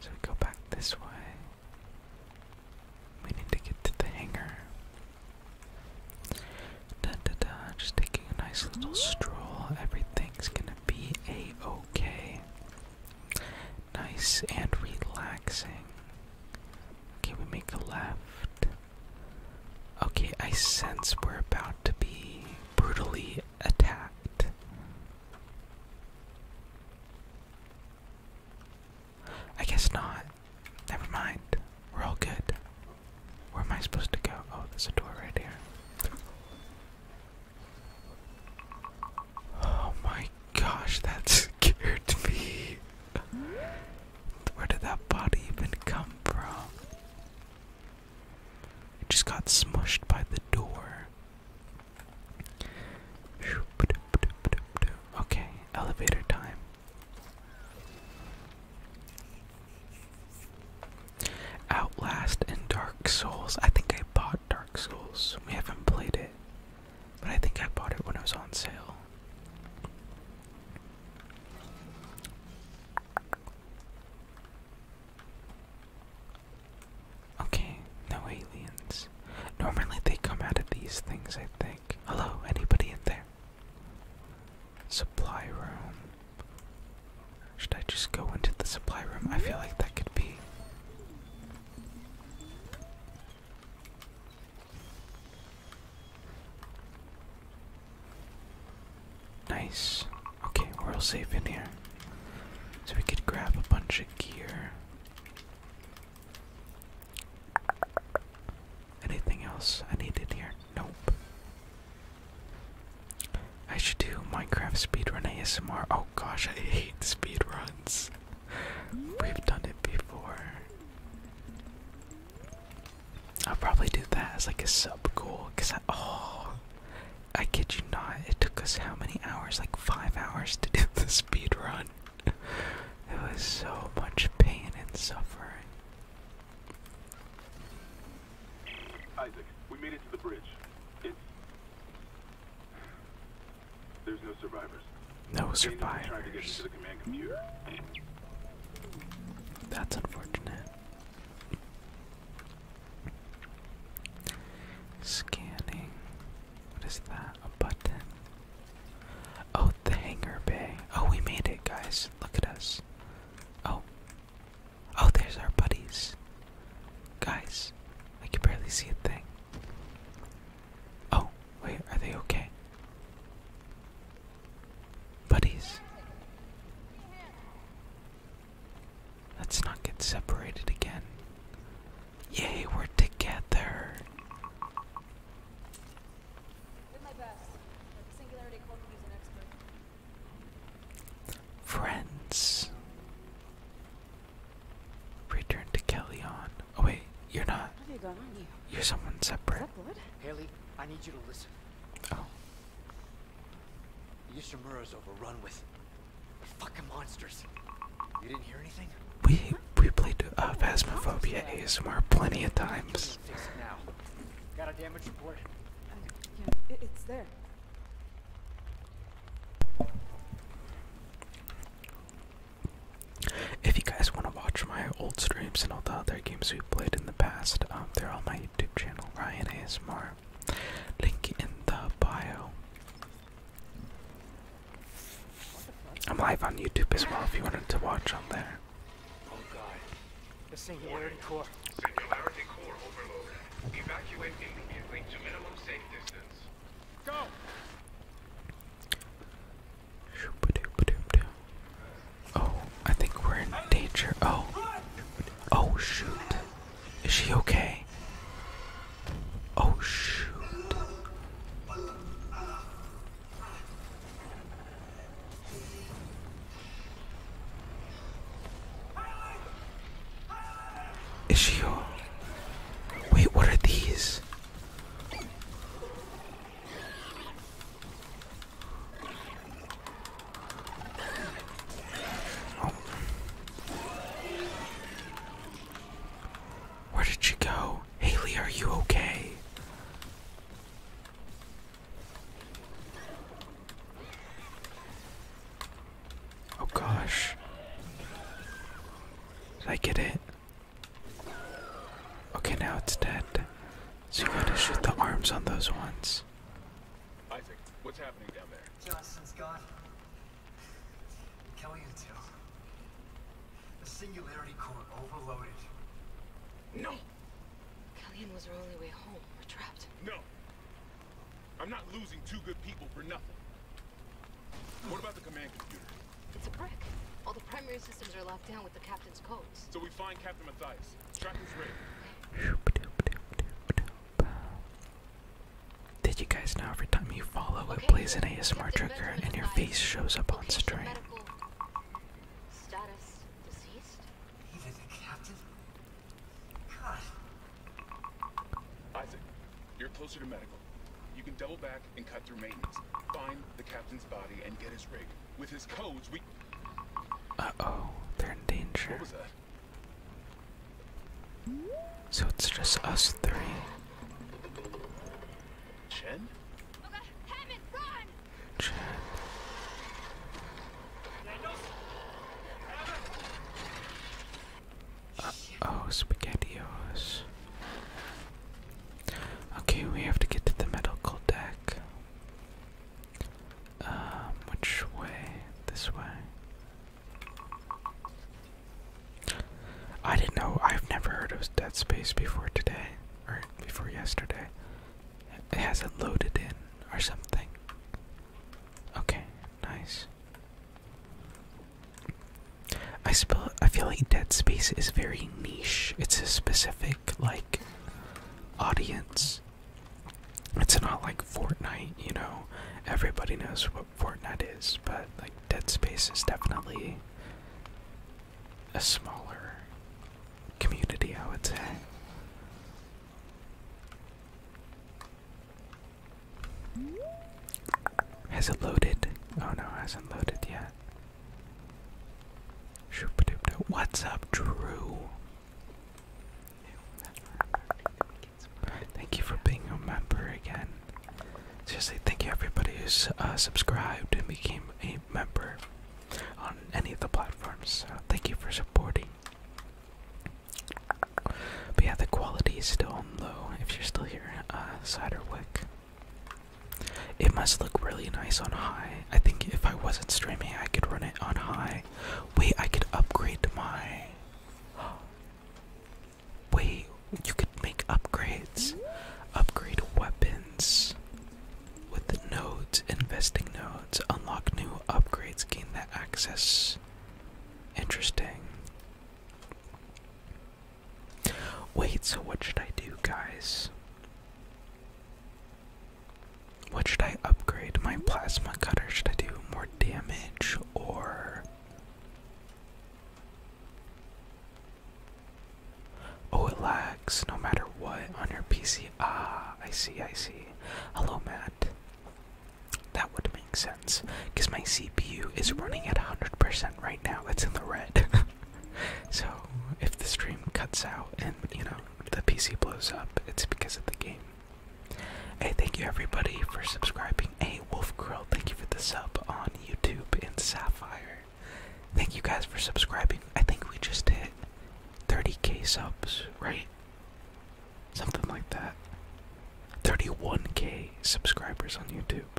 so go back this way. We need to get to the hangar. Da, da, da. Just taking a nice little stroll. Everything's gonna be a okay. Nice and relaxing. Okay, we make a left. Okay, I sense we're about to be brutally attacked. I guess not. Never mind. We're all good. Where am I supposed to go? Oh, there's a door right here. Oh my gosh, that scared me. Where did that body even come from? It just got smushed by the door. Okay, elevator time. Outlast and Dark Souls. I think I bought Dark Souls. We haven't played it, but I think I bought it when it was on sale. Okay, no aliens. Normally they come out of these things, I think. Hello, anybody in there? Supply room. Should I just go into the supply room? I feel like that could be. Nice. Okay, we're all safe in here. So we could grab a bunch of gear. Anything else I needed here? Nope. I should do Minecraft speedrun ASMR. Oh gosh, I hate speedruns. We've done it before. I'll probably do that as like a sub goal, cause I, oh, I kid you not, it took us how many hours? Like five hours to do the speedrun. run. It was so much pain and suffering. Isaac, we made it to the bridge. It's... There's no survivors. No survivors. That's unfortunate. Scanning. What is that? A button. Oh, the hangar bay. Oh, we made it, guys. Look at us. Oh, Oh, there's our buddies. Guys, I can barely see a thing. Oh, wait, are they okay? Buddies. Let's not get separated again. Yay, we're together. Friends. Return to Kellyon. Oh wait, you're not. you are someone separate. Is Haley, I need you to listen. Oh. Yishimura's overrun with fucking monsters. You didn't hear anything? We we played uh, a Phasmophobia ASMR plenty of times yeah, it's there. If you guys want to watch my old streams and all the other games we have played in the past, um, they're on my YouTube channel, Ryan ASMR. Link in the bio. I'm live on YouTube as well if you wanted to watch on there. Oh, the Singularity Core. Singularity Core overload. Evacuate immediately to minimum safe distance. Go! Oh, I think we're in danger. Oh. Oh, shoot. Is she okay? Oh, shoot. Is she here? Wait, what are these? Oh. Where did she go? Haley, are you okay? Oh gosh. Did I get it? Okay, now it's dead. So you gotta shoot the arms on those ones. Isaac, what's happening down there? Johnston's gone. Kelly and Till. The singularity core overloaded. No! Kellyan was our only way home. We're trapped. No! I'm not losing two good people for nothing. What about the command computer? It's a brick. All the primary systems are locked down with the captain's codes. So we find Captain Matthias. Track his rig. Did you guys know every time you follow it plays an ASMR trigger and your face shows up on screen. Status deceased? Even the captain? God. Isaac, you're closer to medical. You can double back and cut through maintenance. Find the captain's body and get his rig. With his codes, we... Uh-oh, they're in danger. What was that? So it's just us three. Chen? Chen. Uh, oh, spaghettios. Okay, we have to get to the medical deck. Um, which way? This way. I didn't know. I've never heard of Dead Space before today, or before yesterday. It hasn't loaded in, or something. Okay, nice. I I feel like Dead Space is very niche. It's a specific like audience. It's not like Fortnite, you know. Everybody knows what Fortnite is, but like Dead Space is definitely a smaller community, I would say. Has it loaded? Oh no, hasn't loaded yet. What's up, Drew? Thank you for being a member again. Seriously, thank you everybody who's uh, subscribed and became a member on any of the platforms. thank you for supporting. But yeah, the quality is still low if you're still here, uh, Ciderwick. It must look really nice on high. I think if I wasn't streaming, I could run it on high. Wait, I could upgrade my. Wait, you could make upgrades. Upgrade weapons with the nodes, investing nodes. Unlock new upgrades, gain that access Interesting. Wait, so what should I do, guys? What should I upgrade? My plasma cutter? Should I do more damage or. Oh, it lags no matter what on your PC. Ah, I see, I see. Hello, Matt. That would make sense because my CPU is running at 100% right now. It's in the red. so if the stream cuts out and you know the PC blows up, it's because of the game. Hey, thank you everybody for subscribing. Hey, Wolf Grill, thank you for the sub on YouTube and Sapphire. Thank you guys for subscribing. I think we just hit 30k subs, right? Something like that. 31k subscribers on YouTube.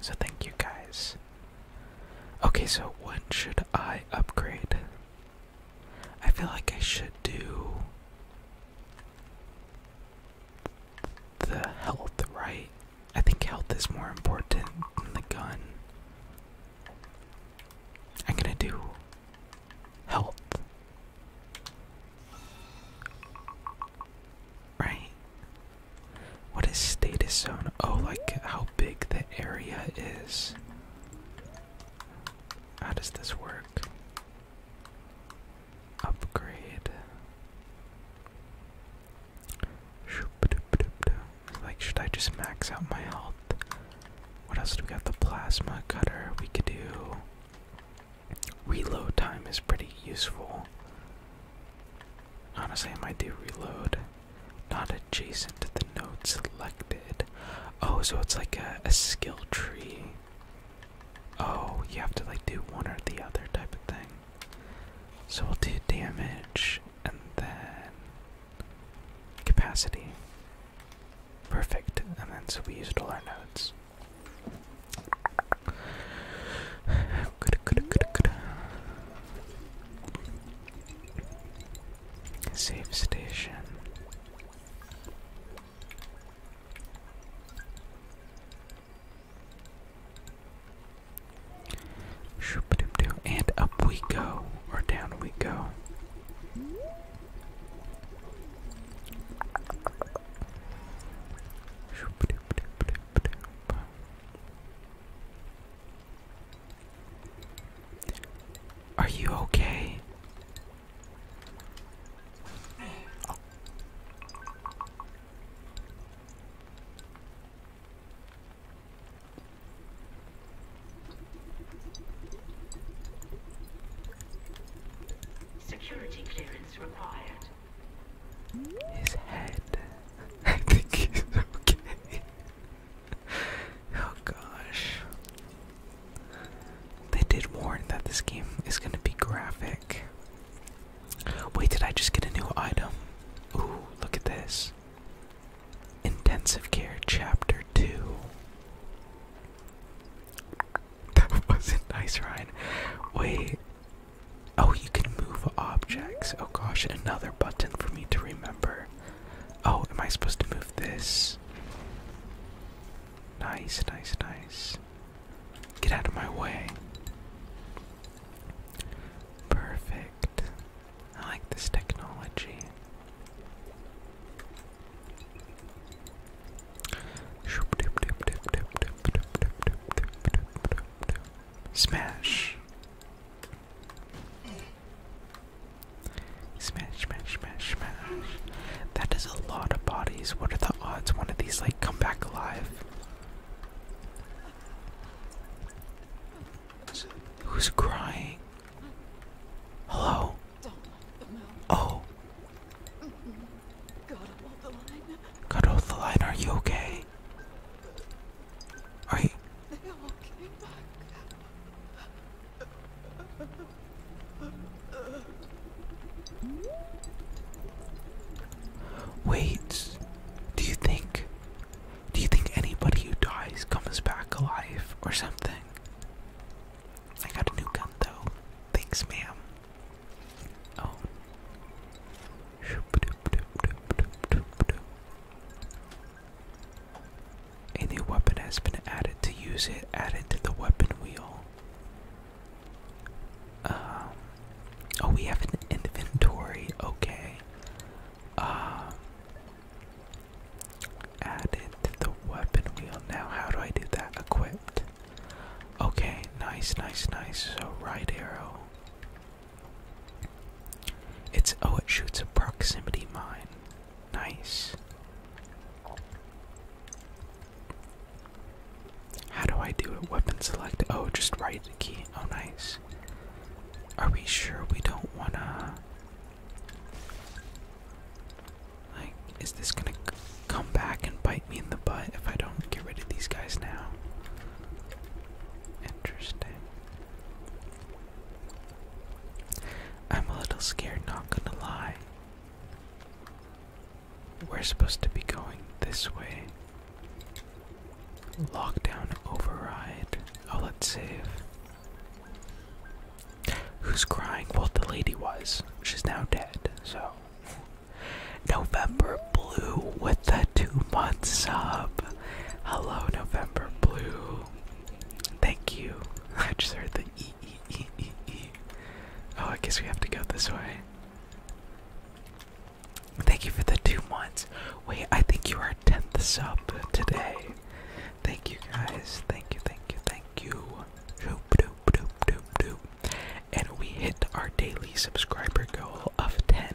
So thank you guys. Okay, so when should I upgrade? I feel like I should do the health, right? I think health is more important than the gun. I'm gonna do health. Right? What is status zone? Oh, like how big the area is. How does this work? Upgrade. Like, should I just max out my health? What else do we got? The plasma cutter we could do. Reload time is pretty useful. Honestly, I might do reload. Not adjacent to the node selected. Oh, so it's like a, skill tree. Oh, you have to like do one or the other type of thing. So we'll do damage and then capacity. Perfect. And then so we used all our nodes. Good, good, good, good. Save station. And up we go, or down we go. Are you okay? Security clearance required. His head. I think he's okay. oh gosh. They did warn that this game is gonna be graphic. Wait, did I just get a new item? Ooh, look at this. Intensive Care Chapter 2. That wasn't nice, Ryan. Wait. Oh, you can move objects. Oh gosh, another button for me to remember. Oh, am I supposed to move this? Nice, nice, nice. Get out of my way. Perfect. I like this technology. Smash. Smash, smash, smash, That is a lot of bodies. What are the odds one of these, like, come back alive? Who's crying? Hello? Oh. Cut off oh, the line. Are you okay? Are you? Wait. Do you think? Do you think anybody who dies comes back alive or something? I got a new gun though. Thanks, ma'am. Oh. A new weapon has been added. To use it, add to the weapon wheel. Um, oh, we have an inventory. Okay. Um, added to the weapon wheel. Now, how do I do that? Equipped. Okay, nice, nice, nice. So, right arrow. It's oh, it shoots a proximity mine. Nice. How do I do it? Weapon select. Oh, just right key. Oh, nice. Are we sure we don't wanna? Like, is this gonna come back and bite me in the butt if I don't get rid of these guys now? Interesting. I'm a little scared, not gonna lie. We're supposed to be going this way. Lockdown override. Oh, let's save. Who's crying? Well, the lady was. She's now dead, so. November Blue with the two months up. Hello, November Blue. Thank you. I just heard the e e e e e. Oh, I guess we have to go this way. Thank you for the two months. Wait, I think you are 10th sub today. Thank you guys. Thank you, thank you, thank you shoop doop doop doop doop. And we hit our daily subscriber goal of 10.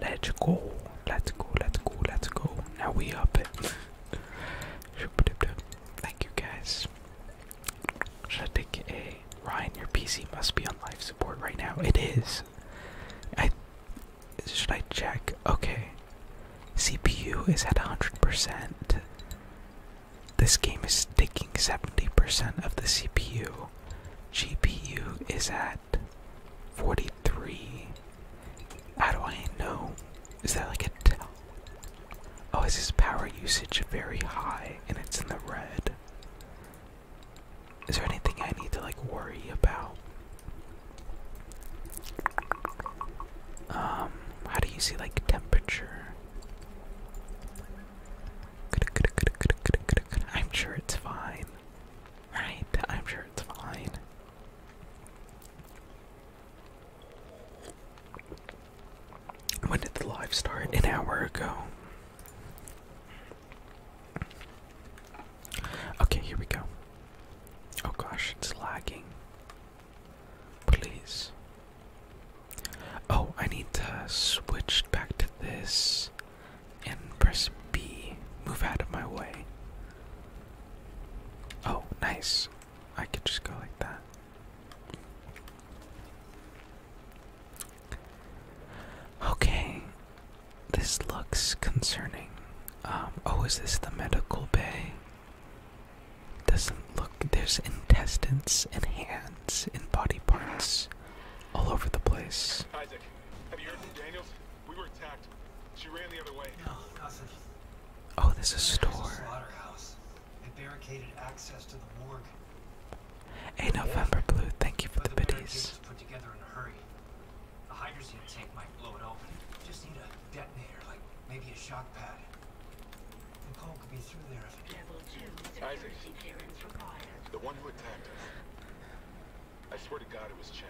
Let's go. Let's go, let's go, let's go. Now we up it. Thank you guys. Should I take a Ryan? Your PC must be on life support right now. It is. I should I check? Okay. CPU is at 100%. This game is taking 70% of the CPU. GPU is at 43. How do I know? Is that like a Oh, is this power usage very high and it's in the red? Is there anything I need to like worry about? Um, how do you see like temperature? I'm sure it's fine. Right? I'm sure it's fine. When did the live start? An hour ago. Okay, here we go. Oh gosh, it's lagging. Please. Oh, I need to switch back to this and press B. Move out of my way. Oh, nice. I could just go like that. Okay. This looks concerning. Um, oh, is this the medical bay? Doesn't look, there's intestines and hands and body parts all over the place. Isaac, have you heard from Daniels? We were attacked. She ran the other way. Oh, there's a store. There's a barricaded access to the morgue. Hey, November Blue, thank you for but the biddies. put together in a hurry. The hydrogen tank might blow it open. Just need a detonator, like maybe a shock pad. The one who attacked us. I swear to God it was Chen.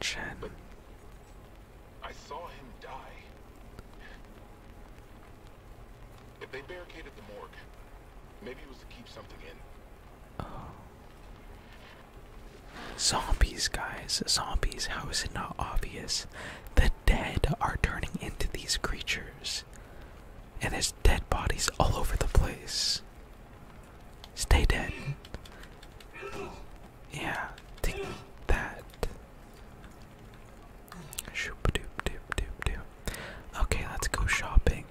Chen. But I saw him die. If they barricaded the morgue, maybe it was to keep something in. Oh. Zombies, guys. Zombies. How is it not obvious? The dead are turning into these creatures. And there's dead bodies all over the place. Stay dead. Yeah, take that. Shoop doop doop doop doop. Okay, let's go shopping.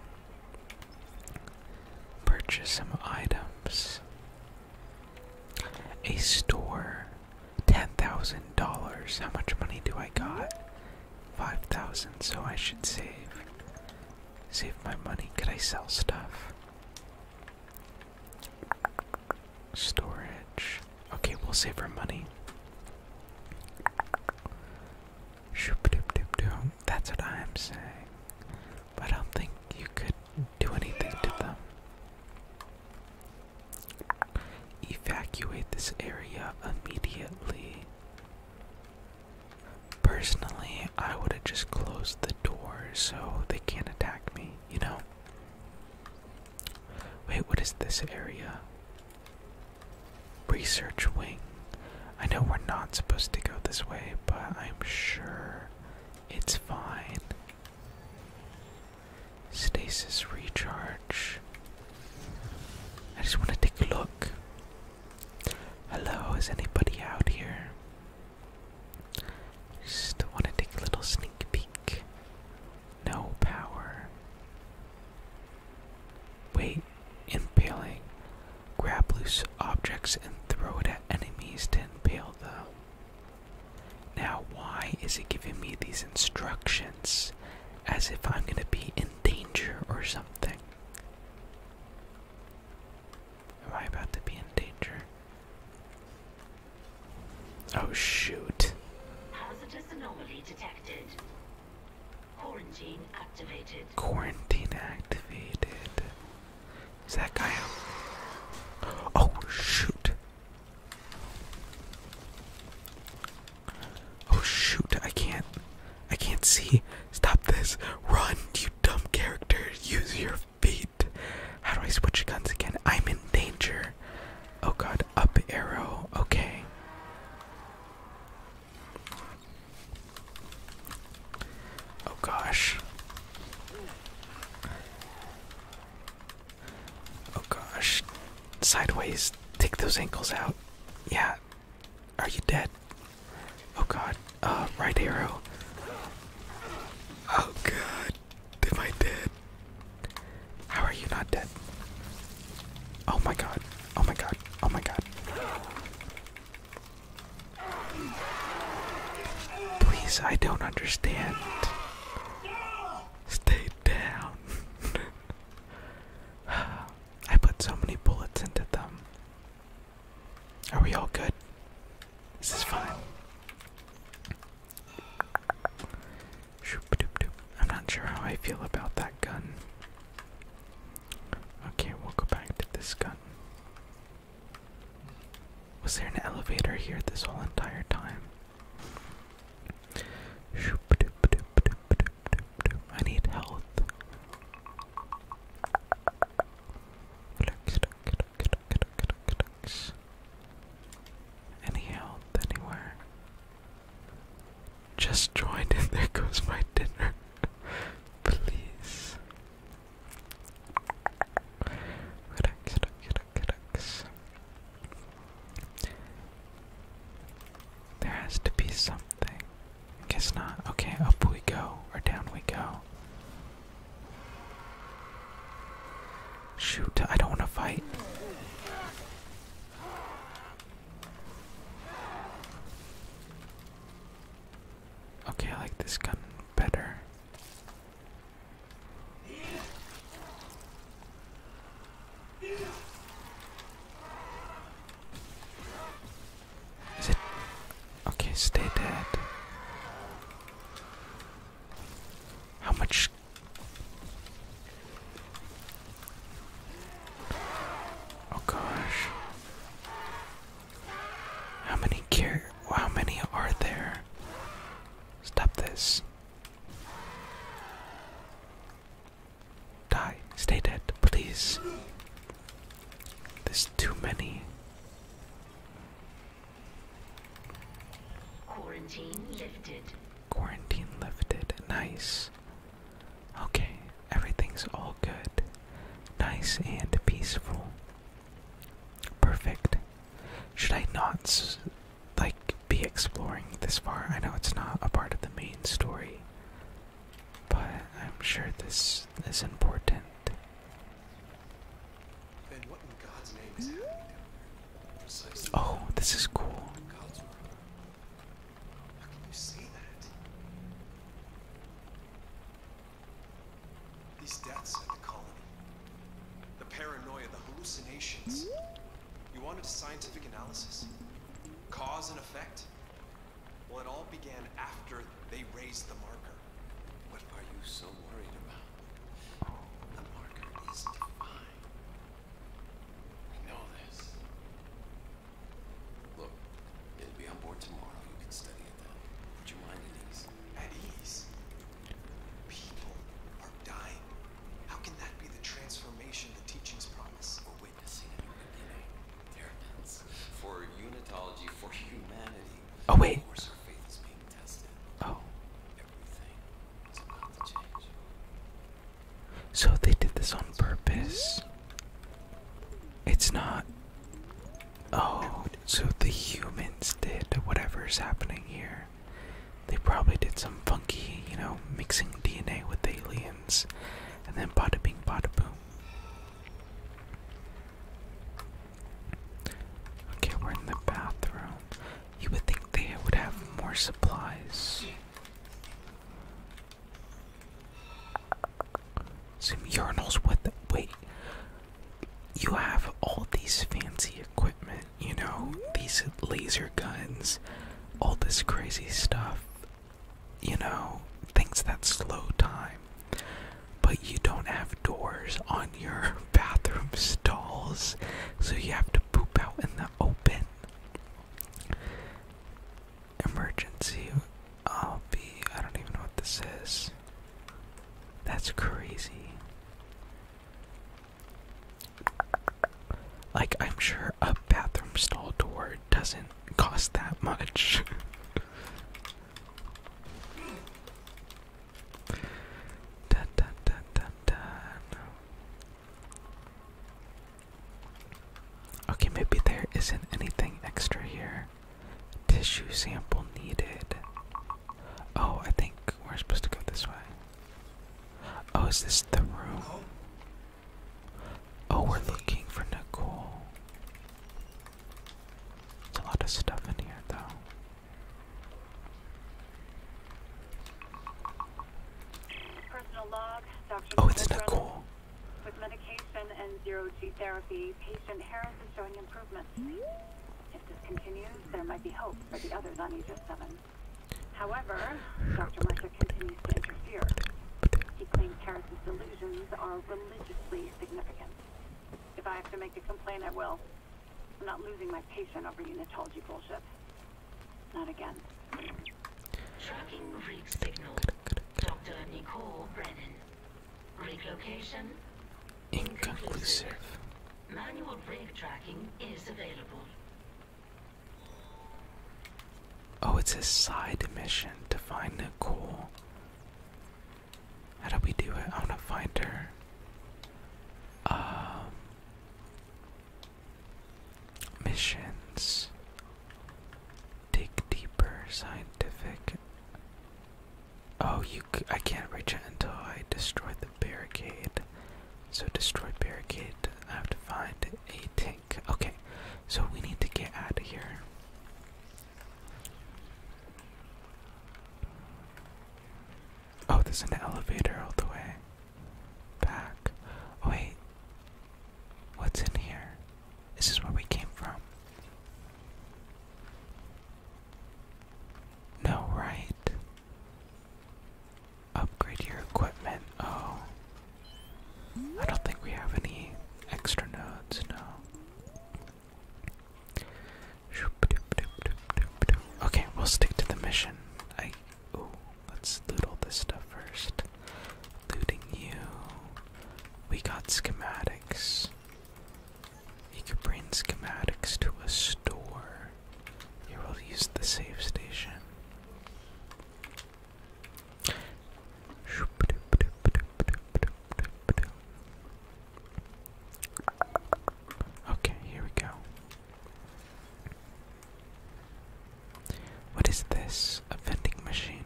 Purchase some items. A store $10,000. How much money do I got? 5,000. So I should save. Save my money. Could I sell stuff? Storage. Okay, we'll save our money. That's what I'm saying. But I don't think you could do anything to them. Evacuate this area immediately. Personally, I would have just closed the door so they can't attack me, you know? Wait, what is this area? Research wing. I know we're not supposed to go this way, but I'm sure it's fine. Stasis recharge. I just want to take a look. Hello, is anybody out here? Just want to take a little sneak peek. No power. Wait, impaling. Grab loose objects and throw it at enemies to impale them. Now, why is it giving me these instructions? as if I'm gonna be in danger or something. Am I about to be in danger? Oh shoot. Hazardous anomaly detected. Quarantine activated. Quarantine activated. Is that guy Oh shoot. Oh shoot, I can't. I can't see. Stop this. Run, you dumb character. Use your feet. How do I switch guns again? I'm in danger. Oh god, up arrow. Okay. Oh gosh. Oh gosh. Sideways. Take those ankles out. Yeah. Are you dead? Oh god. Uh, right arrow. Oh god. Am I dead? How are you not dead? Oh my god. Oh my god. Oh my god. Please, I don't understand. Stay down. I put so many bullets into them. Are we all good? This is fine. I'm not sure how I feel about that gun. Okay, we'll go back to this gun. Was there an elevator here this whole entire time? I need health. Any health anywhere? Just joined and there goes my dinner. Please. There has to be something. Guess not. Okay, up we go, or down we go. Shoot, I don't want to fight. Okay, I like this gun better. Is it? Okay, stay dead. How much? Oh gosh. How many care? How many are there? Stop this. Die. Stay dead, please. There's too many. Quarantine lifted. Quarantine lifted. Nice. Okay, everything's all good. Nice and peaceful. Perfect. Should I not, like, be exploring this far. I know it's not a part of the main story, but I'm sure this is important. Then what in God's name is happening down there? Oh, this is cool. These deaths at the colony. The paranoia, the hallucinations. You wanted a scientific analysis? Cause and effect? Well, it all began after they raised the marker. What are you so worried about? The marker is defined. We know this. Look, it'll be on board tomorrow. You can study it then. Put your mind at ease. At ease? People are dying. How can that be the transformation the teachings promise? for unitology for humanity. Oh wait. Of our faith is being tested. Oh. Everything So they did this on purpose. It's not Oh, so the humans did whatever's happening here. They probably did some funky, you know, mixing DNA with aliens and then bada bing, bada boom. Okay, we're in the bathroom. You would think they would have more supplies. Some urinals with the wait. You have all these fancy equipment, you know, these laser guns, all this crazy stuff, you know, things that slow time. But you don't have doors on your bathroom stalls, so you have to poop out in the open. Emergency I'll be I don't even know what this is. That's crazy. Like, I'm sure a bathroom stall door doesn't cost that much. Okay, maybe there isn't anything extra here. Tissue sample needed. Oh, I think we're supposed to go this way. Oh, is this the room? Oh, we're looking for Nicole. There's a lot of stuff in here, though. Personal log, Dr. Oh, it's Nicole. With medication and zero G therapy, patient Harris is showing improvement. If this continues, there might be hope for the others on Aegis 7. However, Dr. Mercer continues to interfere. He claims Harris's delusions are religiously significant. If I have to make a complaint, I will. I'm not losing my patience over unitology bullshit. Not again. Tracking rig signal. Dr. Nicole Brennan. Rig location? Inconclusive. Manual rig tracking is available. Oh, it's a side mission to find Nicole. How do we do it? I want to find her. Um, missions. Dig deeper, scientific. Oh, you! C I can't reach it until I destroy the barricade. So destroy barricade I have to find a tank. Okay, so we need to get out of here. Oh, there's an elevator all the way back. Oh, wait, what's in here? This is where we came from. No, right? Upgrade your equipment. Oh, I don't think we have any extra nodes, no. Okay, we'll stick to the mission. I ooh, let's loot all this stuff first. Looting you. We got schematics. You could bring schematics to a store. Here we'll use the save station. Okay, here we go. What is this? A vending machine.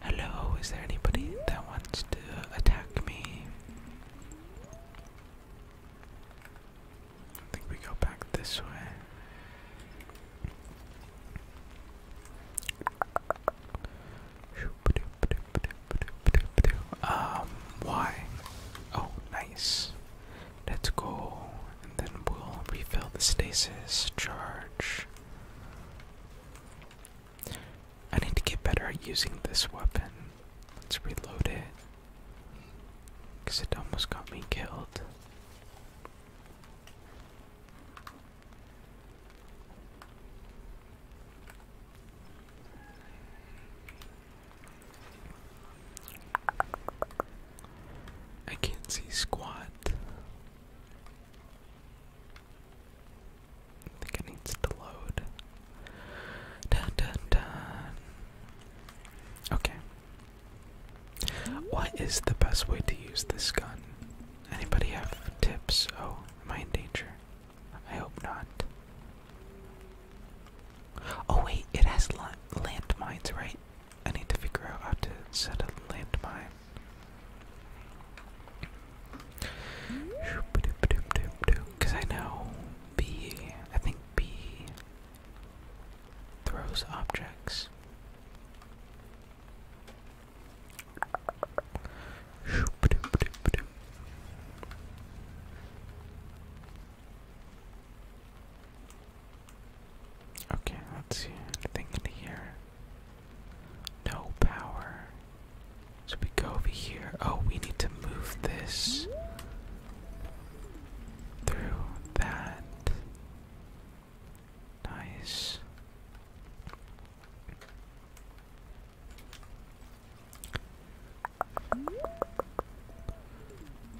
Hello, is there anybody that wants to attack me? I think we go back this way. Um, why? Oh, nice. Let's go, and then we'll refill the stasis charge. I need to get better at using this weapon. Let's reload it. Because it almost got me killed. I can't see squat. I think it needs to load. Okay. What is the best way to use this gun? Anybody have tips? Oh, am I in danger? I hope not. Oh wait, it has landmines, right? I need to figure out how to set a landmine. Because I know B, I think B throws objects. Okay, let's see anything in here. No power. So we go over here. Oh, we need to move this through that. Nice.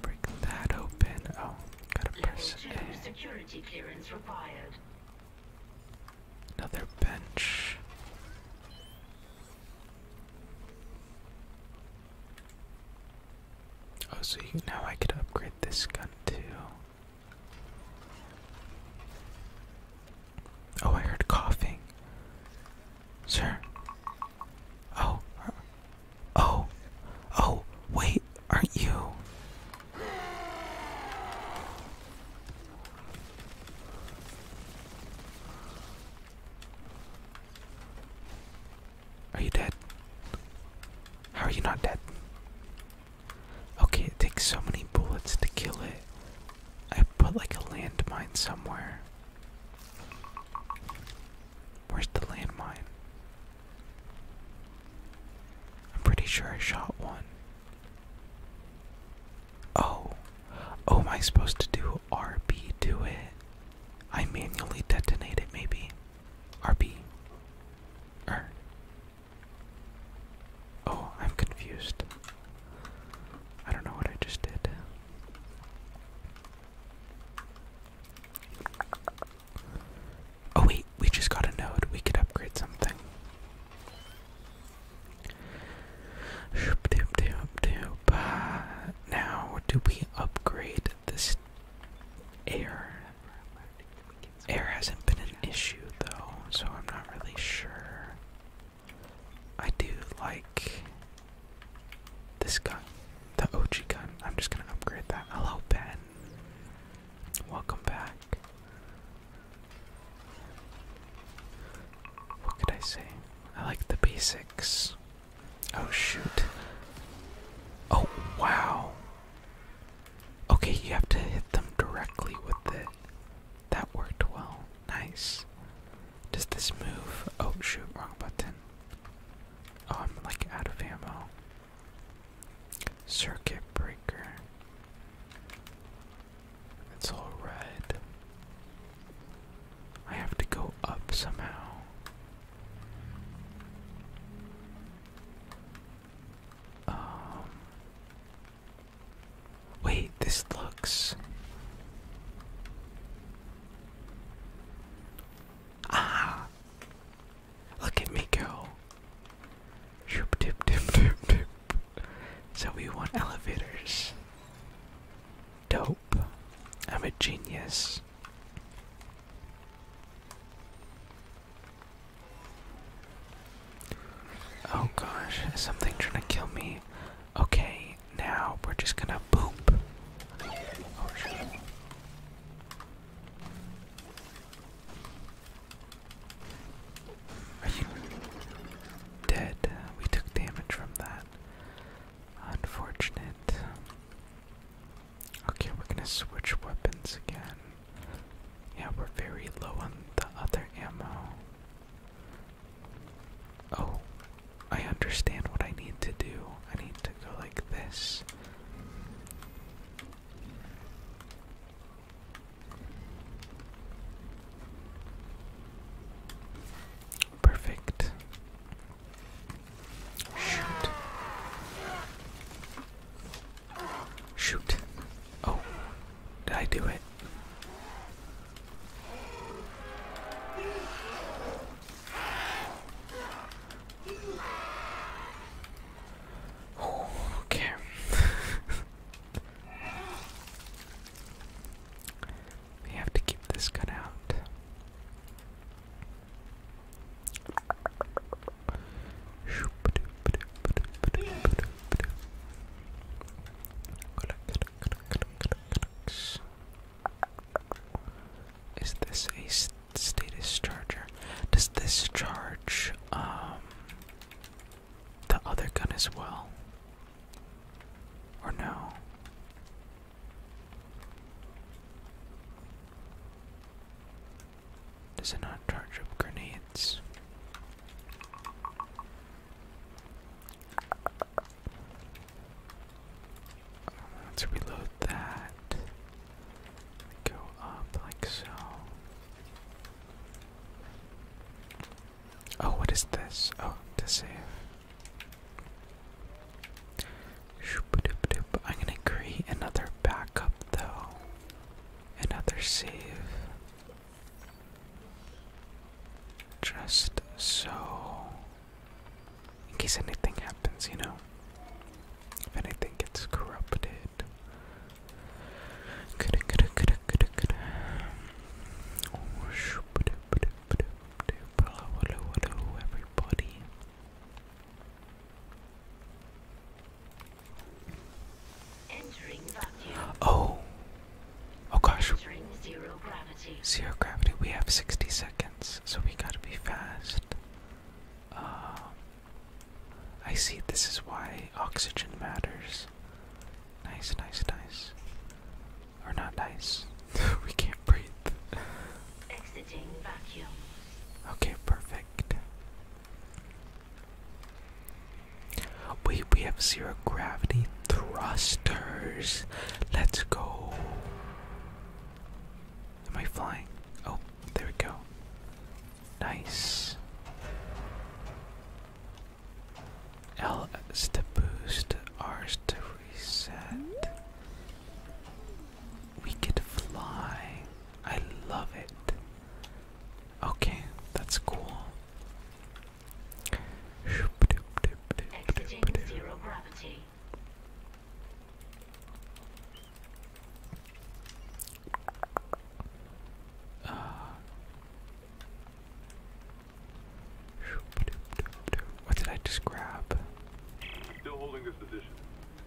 Break that open. Oh, got A. Security clearance Another bench. Oh, so you, know I could upgrade this gun too. Oh, I heard coughing. Sir. Oh. Oh. Oh, wait, aren't you? Are you dead? How are you not dead? Okay, it takes so many bullets to kill it. I put like a landmine somewhere. Where's the landmine? I'm pretty sure I shot one. Oh. Oh, am I supposed to do RB do it. I manually detonate it, maybe. RB. Er. Oh, I'm confused. I don't know what I just did. Oh wait, we just got a node. We could upgrade something. Uh, now, do we upgrade this air? Air hasn't been an issue though, so I'm not really sure. I do like this gun, the OG gun. I'm just gonna upgrade that. Hello, Ben. Welcome back. What could I say? I like the basics. Oh shoot. Oh wow. Okay, you have to hit them directly with it. That worked well. Nice. Does this move? Oh shoot, wrong button. Oh, I'm like out of ammo. Circuit breaker. It's all red. I have to go up somehow. Um. Wait, this looks. Ah! Look at me go. Shoop, dip, dip, dip, dip. So we want elevators. Dope. I'm a genius. Oh gosh, something trying to kill me? Okay, now we're just gonna boop. Are you dead? We took damage from that. Unfortunate. Okay, we're gonna switch weapons again. Yeah, we're very low on the other ammo. Oh, I understand what I need to do. I need to go like this. Perfect. Shoot. Shoot. Oh, did I do it? okay. We have to keep this gun out. Is this a status charger? Does this charge um, the other gun as well? Or no? Does it not charge up grenades? Let's reload that. Go up like so. Oh, what is this? Oh, to save. I'm gonna create another backup though. Another save. Just so. In case anything happens, you know? If anything gets corrupted. Good, good, good, good, good. Oh, shoot. Oh, oh gosh. zero gravity. Zero gravity. We have 60 seconds, so we gotta be fast. Um, I see. This is why oxygen matters. Nice, nice, nice. Or not nice. we can't breathe. Exiting vacuum. Okay, perfect. Wait, we have zero gravity thrusters. Let's go. Am I flying? Oh, there we go. Nice. L is to boost, R is to preset. We could fly. I love it. Okay, that's cool. Exiting zero gravity. Uh, what did I just grab?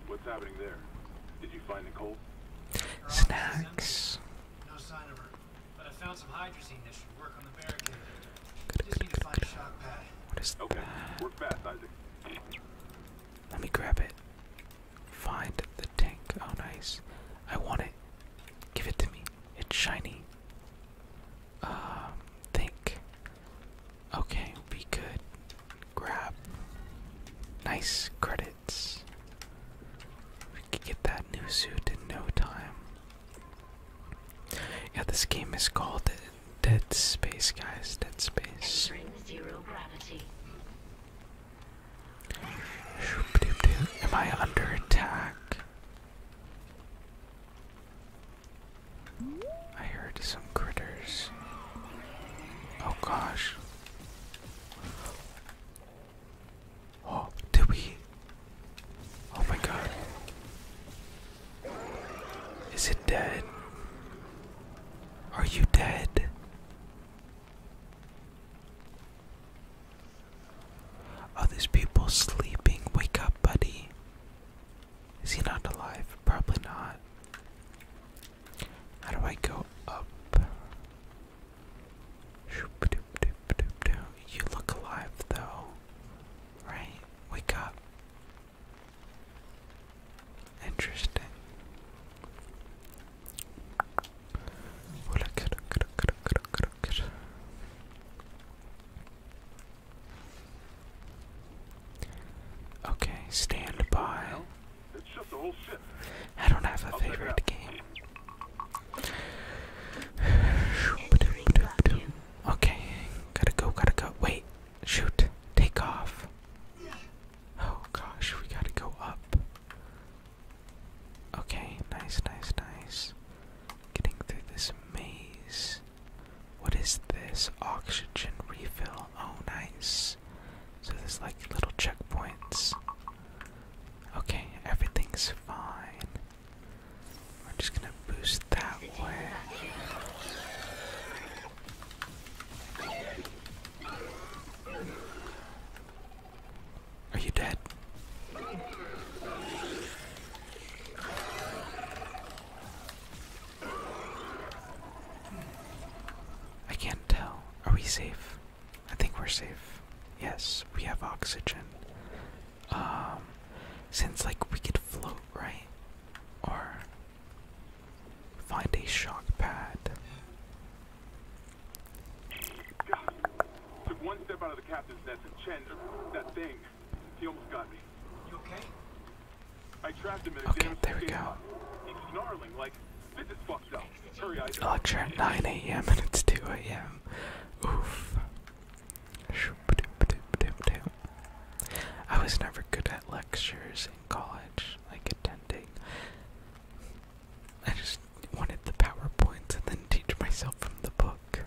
What's happening there? Did you find Nicole? Snacks. No sign of her, but I found some hydrazine that should work on the barricade. What is that? Let me grab it. Find the tank. Oh, nice. I want it. Give it to me. It's shiny um, think. Okay, we could grab nice credits. We could get that new suit in no time. Yeah, this game is called Dead Space, guys. Dead Space. Entering zero gravity. Am I under attack? I heard some critters. Oh gosh. Oh, did we? Oh my god. Is it dead? Are you dead? Are these people sleeping. Wake up, buddy. Is he not alive? Probably not. How do I go up? You look alive though, right? Wake up. Interesting. Okay, stand by. I don't have a favorite game. Okay, gotta go, gotta go. Wait, shoot, take off. Oh gosh, we gotta go up. Okay, nice, nice, nice. Getting through this maze. What is this? Oxygen refill. Oh, nice. So there's like little checkpoints. Okay, everything's fine. I'm just gonna boost that way. Are you dead? I can't tell. Are we safe? I think we're safe. Yes, we have oxygen. Um, since like we could float, right? Or find a shock pad. He almost got me. You okay? I trapped him in a okay, there we go. He's snarling like this is fucked up. Hurry, I Lecture at 9 a.m. and it's 2 a.m. Oof. I was never good at lectures in college, like attending. I just wanted the PowerPoints and then teach myself from the book.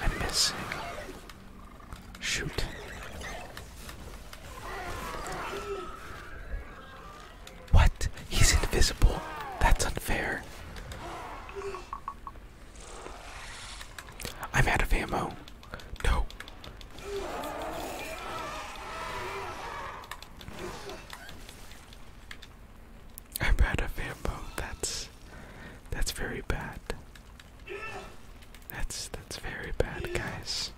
I'm missing. Shoot. What? He's invisible. That's unfair. I'm out of ammo. No. I'm bad at Vambo. That's that's very bad. That's that's very bad, guys.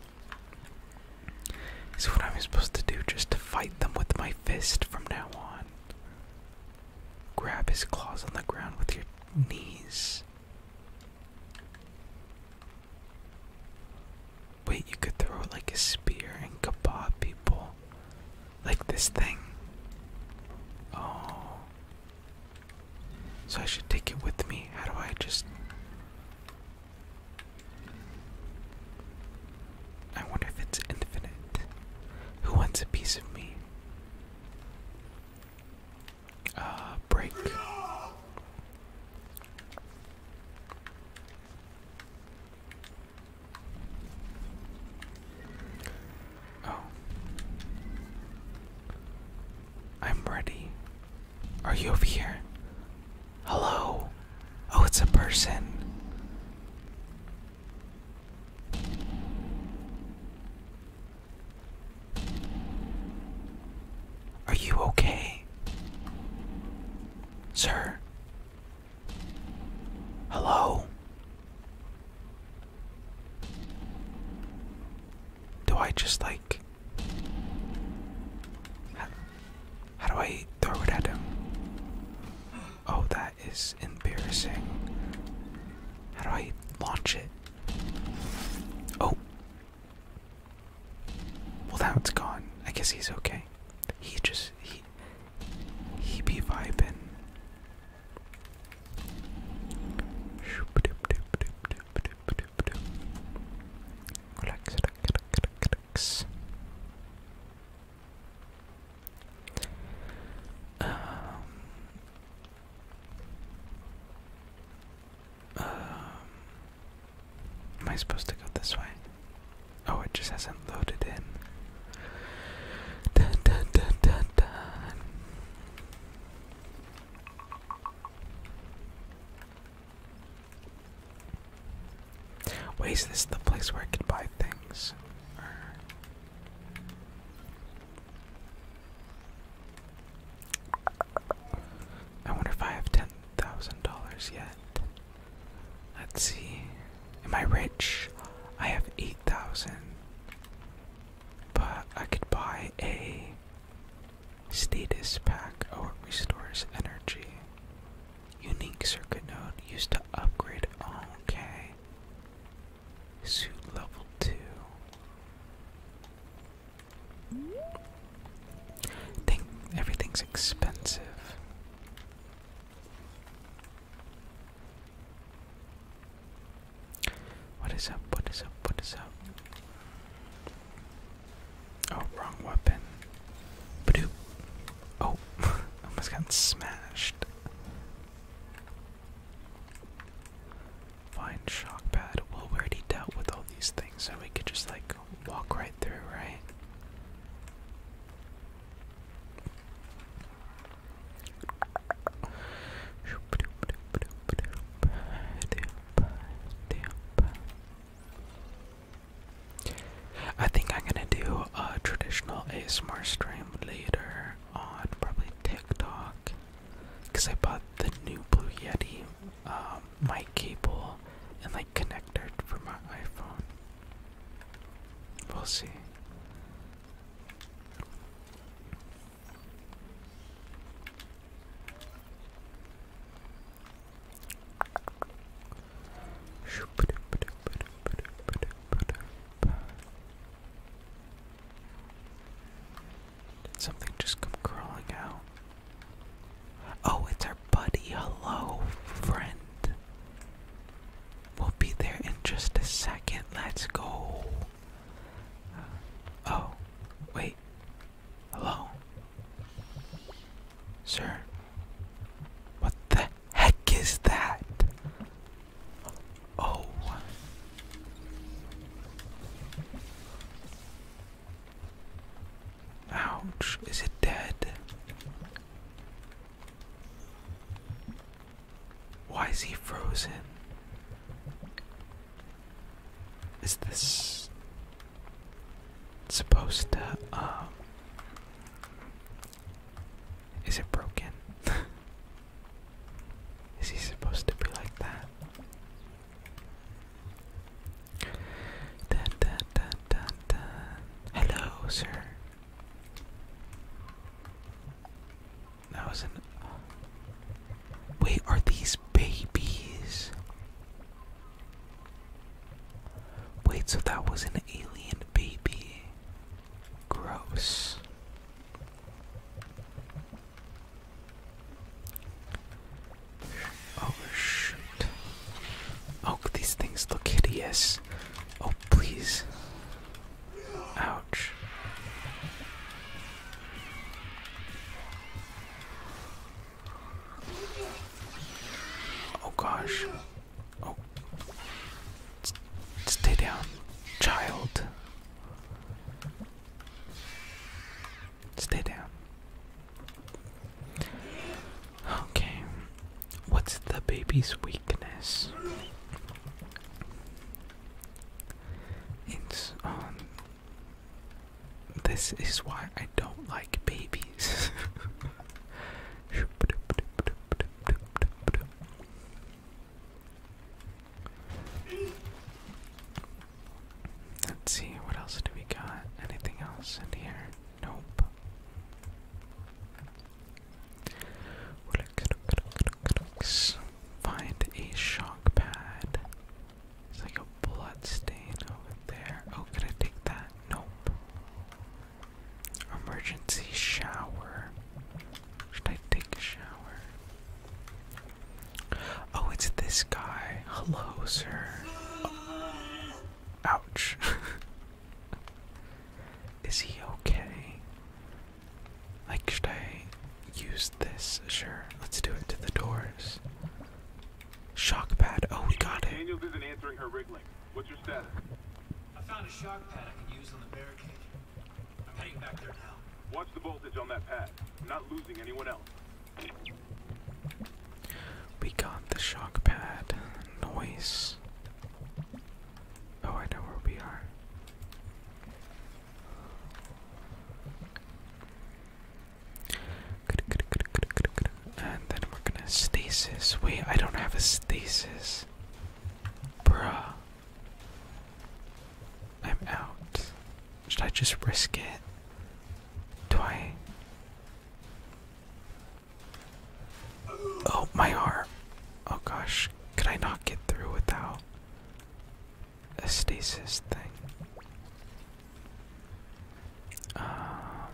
So what I'm supposed to do just to fight them with my fist from now on. Grab his claws on the ground with your knees. Wait, you could throw it like a spear and kabod people. Like this thing. Oh. So I should take it with me. How do I just. I wonder if it's infinite. Who wants a piece of me? uh, break. Oh. I'm ready. Are you over here? Hello? Oh, it's a person. Are you okay? Sir? Hello? Do I just like. How, how do I throw it at him? Oh, that is embarrassing. How do I launch it? Oh. Well, now it's gone. I guess he's okay. He just he he be vibing. Um, am I supposed to go this way? Oh, it just hasn't loaded in. Dun, Wait, is this the place where I could buy things? I wonder if I have ten thousand dollars yet. Let's see. Am I rich? I have eight thousand. But I could buy a status pack. or it restores energy. Unique circuit node used to upgrade. Oh, okay. Suit level two. Think everything's expensive. What is up? What is up? What is up? Oh, wrong weapon. Badoo. Oh, almost got smashed. Fine shock pad. Well, we already dealt with all these things, so we could just like walk right through, right? I think I'm gonna do a traditional ASMR stream later on probably TikTok because I bought the new Blue Yeti um, um, cable and like connector for my iPhone. We'll see. something just come crawling out? Oh, it's our buddy. Hello, friend. We'll be there in just a second. Let's go. Uh, oh, wait. Hello? Sir? What the heck is that? Oh. Ouch, is it dead? Why is he frozen? Is this supposed to, um, is it broken? is he supposed to be like that? Hello, sir. That was an. Wait, are these babies? Wait, so that was an alien baby. Gross. Oh shoot. Oh, these things look hideous. Oh, please. Ouch. Oh gosh. Oh. stay down, child. Stay down. Okay. What's the baby's weakness? It's um This is why I don't like babies. Let's see, what else do we got? Anything else in here? Nope. Find a shock pad. It's like a blood stain over there. Oh, can I take that? Nope. Emergency shower. Should I take a shower? Oh, it's this guy. Hello, sir. Ouch. Is he okay? Like, should I use this? Sure, let's do it to the doors. Shock pad. Oh, we got it. Daniels isn't answering her wriggling. What's your status? I found a shock pad I can use on the barricade. I'm heading back there now. Watch the voltage on that pad. I'm not losing anyone else. We got the shock pad noise. Oh, I know where we are. And then we're gonna stasis. Wait, I don't have a stasis. Bruh. I'm out. Should I just risk it? Do I. Oh, my arm. Oh gosh, could I not get through without a stasis thing? Um,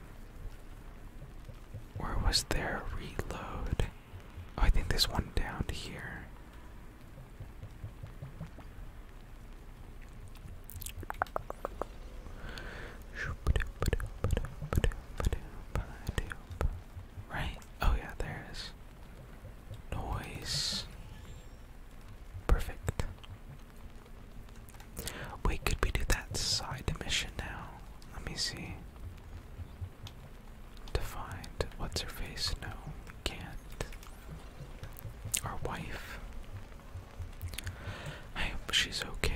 where was there a reload? Oh, I think there's one down here. Right? Oh, yeah, there Noise. Perfect. Wait, could we do that side mission now? Let me see. To find what's her face? No, can't. Our wife. I hope she's okay.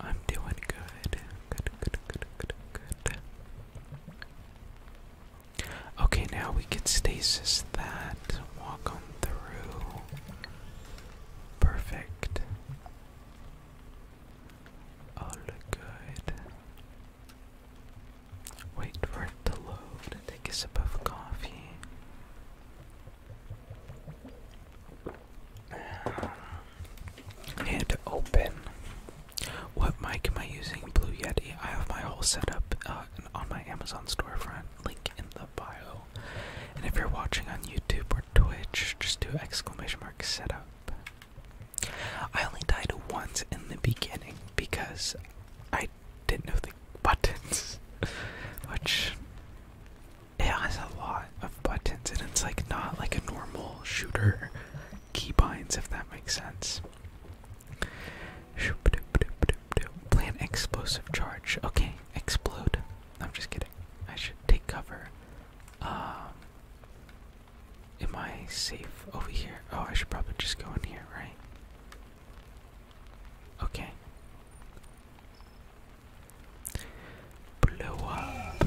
I'm doing good. Good, good, good, good, Okay, now we can stasis that. Walk on through. Perfect. All good. Wait for it to load. Take a sip of coffee. And open. What mic am I using? Blue Yeti. I have my whole setup uh, on my Amazon storefront. Link in the bio. And if you're watching on YouTube or Twitch, just do exclamation mark setup. I only died once in the beginning because I didn't know the buttons, which it has a lot of buttons and it's like not like a normal shooter keybinds if that makes sense. Plan explosive charge. Okay, explode. I'm just kidding. I should take cover. Um, Am I safe over here? Oh, I should probably just go in here, right? Okay. Blow up.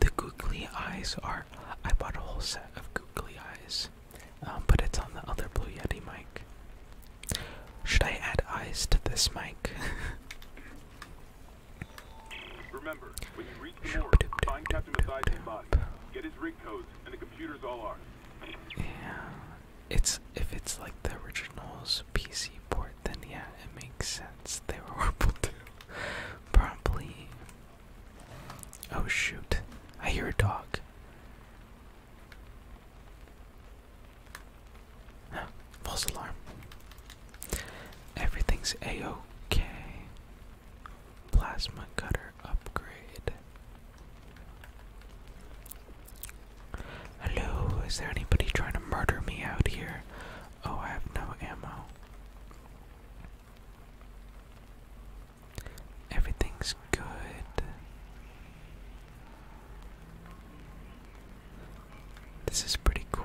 The googly eyes are. I bought a whole set of googly eyes, um, but it's on the other Blue Yeti mic. Should I add eyes to this mic? Remember, when you reach the morgue, find Captain Mathias' body. Get his rig codes, and the computer's all ours. Yeah, it's if it's like the original's PC port, then yeah, it makes sense. They were horrible too. Probably. Oh shoot! I hear a dog. false alarm. Everything's a okay. Plasma cutter upgrade. Hello, is there anybody trying to murder me out here? Oh, I have no ammo. Everything's good. This is pretty cool.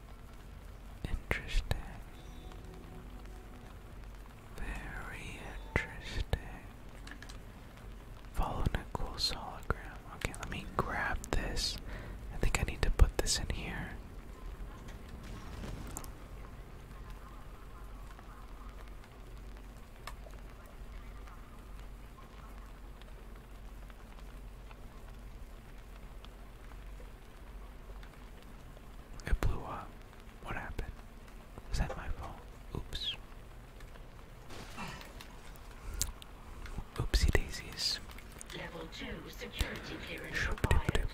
Interesting. Very interesting. Follow Nicole's hologram. Okay, let me grab this. I think I need to put this in here. It blew up. What happened? Is that my fault? Oops. Oopsie daisies. Level 2 security clearance required.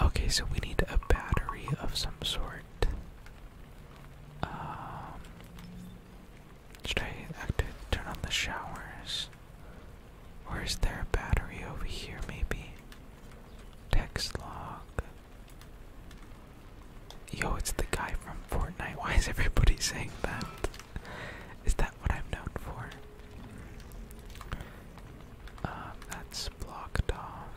Okay, so we need a battery of some sort. Um, should I active, turn on the showers? Or is there a battery over here, maybe? Text log. Yo, it's the guy from Fortnite. Why is everybody saying that? Is that what I'm known for? Um, that's blocked off.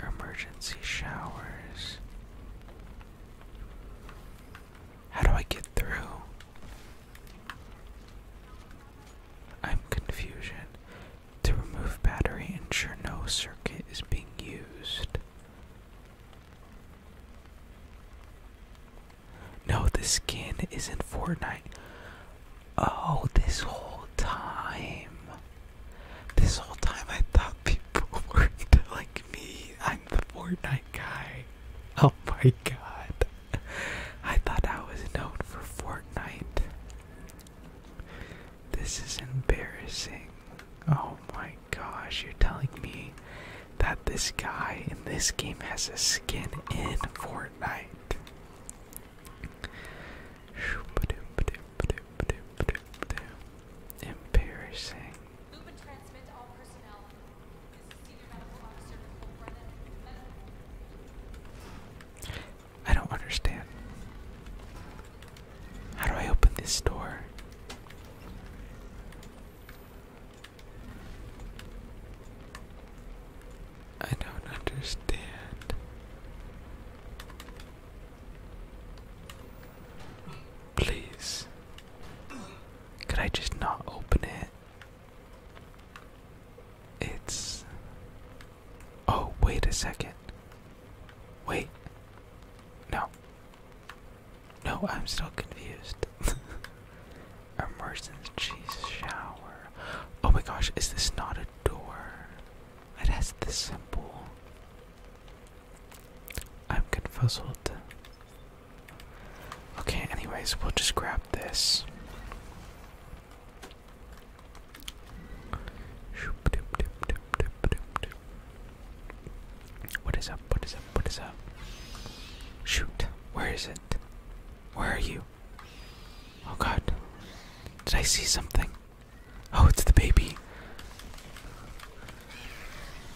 Emergency showers. How do I get through? I'm confusion. To remove battery, ensure no circuit is being used. No, the skin is not Fortnite. Oh, this whole time. This whole time I thought people were like me. I'm the Fortnite guy. Oh my god. I thought I was known for Fortnite. This is embarrassing. Oh my gosh, you're telling me that this guy in this game has a skin in Fortnite. Embarrassing. I don't understand. How do I open this door? I don't understand. Please. Could I just not open it? It's. Oh, wait a second. Wait. No. No, I'm still confused. emergency shower. Oh my gosh, is this not a door? It has the symbol. I'm confuzzled. Okay, anyways, we'll just grab this. What is up? What is up? What is up? Shoot, where is it? Where are you? Oh god. Did I see something? Oh, it's the baby.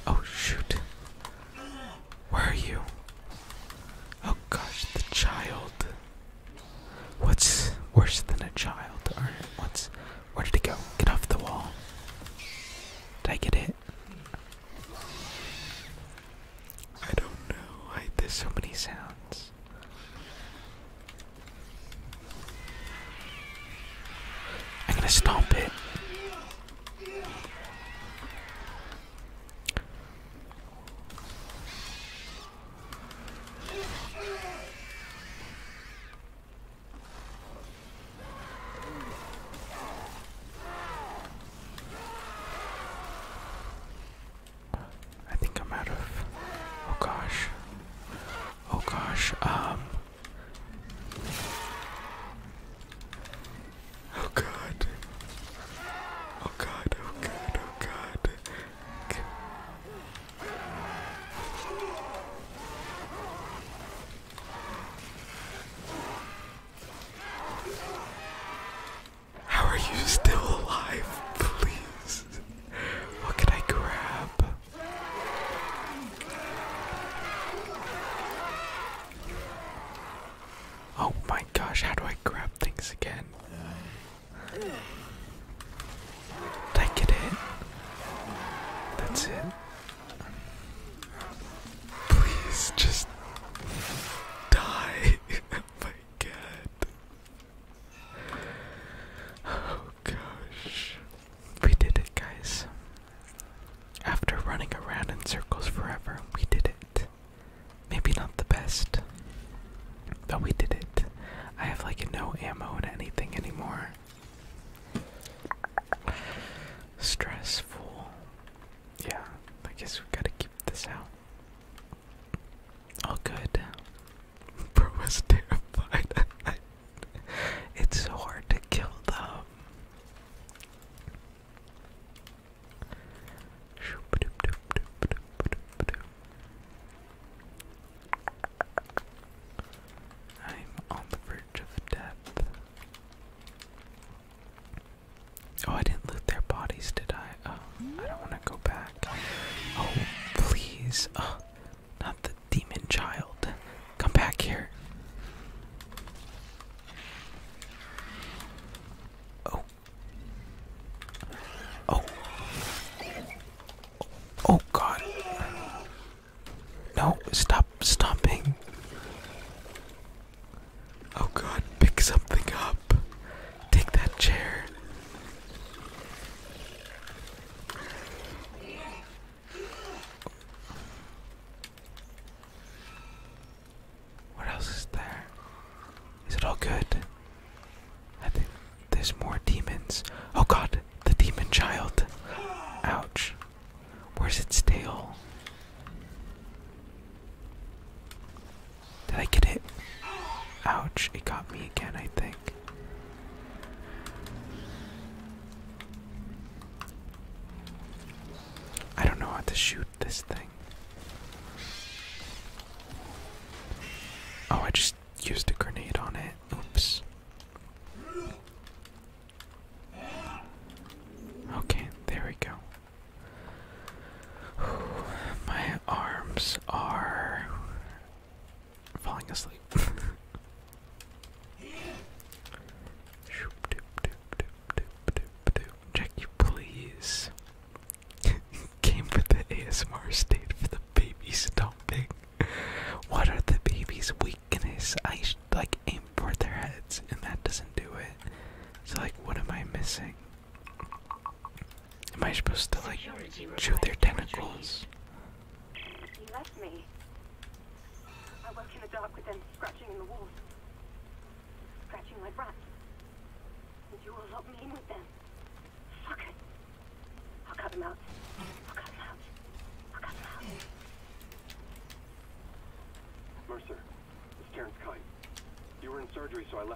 Oh shoot. Where are you? Oh gosh, the child. What's worse than a child? Or what's. Where did it go? Get off the wall. Did I get it? I don't know. I, there's so many sounds. I'm gonna stop it. I think I'm out of. Oh gosh. Oh gosh. Um. Oh god. Oh god. Oh god. Oh god. How are you still alive? Please. What can I grab? Oh my gosh, how do I grab things again? Did I get That's it. Please just die. oh my god. Oh gosh. We did it, guys. After running around in circles forever, we did it. Maybe not the best, but we did it. I have like no ammo to anything anymore. Stressful. Yeah, I guess we gotta keep this out. Oh, good. Bro was terrified. it's so hard to kill them. I'm on the verge of death. Oh, I didn't loot their bodies, did I? Oh, I don't want to go back. Oh, please. Uh, not the demon child. Come back here. Oh. Oh. Oh, God. No, stop stomping. Oh, God, pick something up. Take that chair. What else is there? Is it all good? I think there's more demons. Oh god, the demon child. Ouch. Where's its tail? Did I get it? Ouch, it got me again, I think. I don't know how to shoot this thing. Oh, I just used a grenade on it. Oops. Okay, there we go. my arms dogs are falling asleep. Jackie, please. Came for the ASMR, stayed for the babies dumping. What are the babies' weakness? I like aim for their heads, and that doesn't do it. So like, what am I missing? Am I supposed to like chew their tentacles? He left me. I woke in the dark with them scratching in the walls. Scratching like rats. And you all locked me in with them. Fuck it. i cut them out. i cut them out. i cut them out. Mercer, it's Terrence Kite. You were in surgery, so I left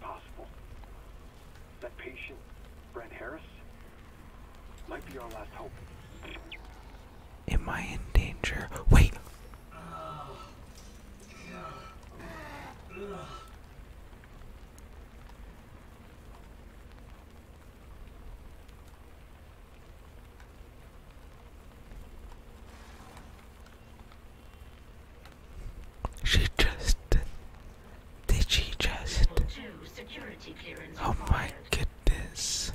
possible. That patient, Brent Harris, might be our last hope. Am I in danger? Wait! She just did she just Oh my goodness.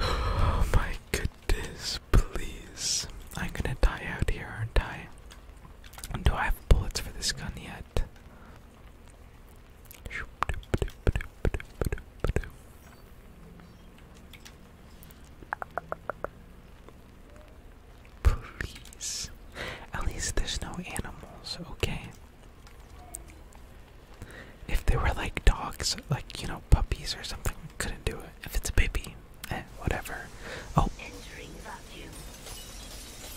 Oh my goodness, please. I'm gonna die out here, aren't I? Do I have bullets for this gun yet? Please. At least there's no animals, okay? If they were like dogs, like, you know, puppies or something, we couldn't do it. If it's a baby, eh, whatever. Oh. Entering vacuum.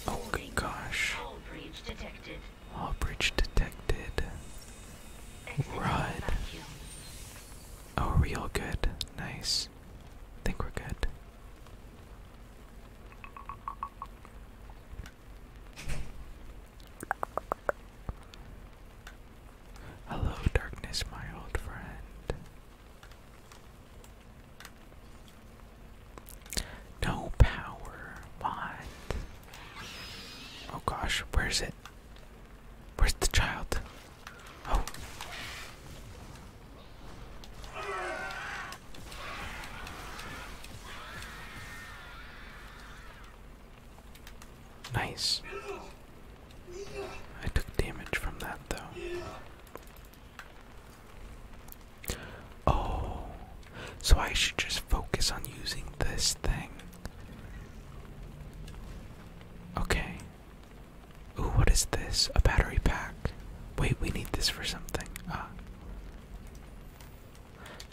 Oh, good gosh. All breach detected. All breach detected. Run. Oh, real good. Nice think we're good. Hello, darkness, my old friend. No power. What? Oh gosh, where's it? Where's the child? Oh. Nice. I took damage from that though. Oh. So I should just focus on using this thing. Okay. Ooh, what is this? A battery pack. Wait, we need this for something. Ah.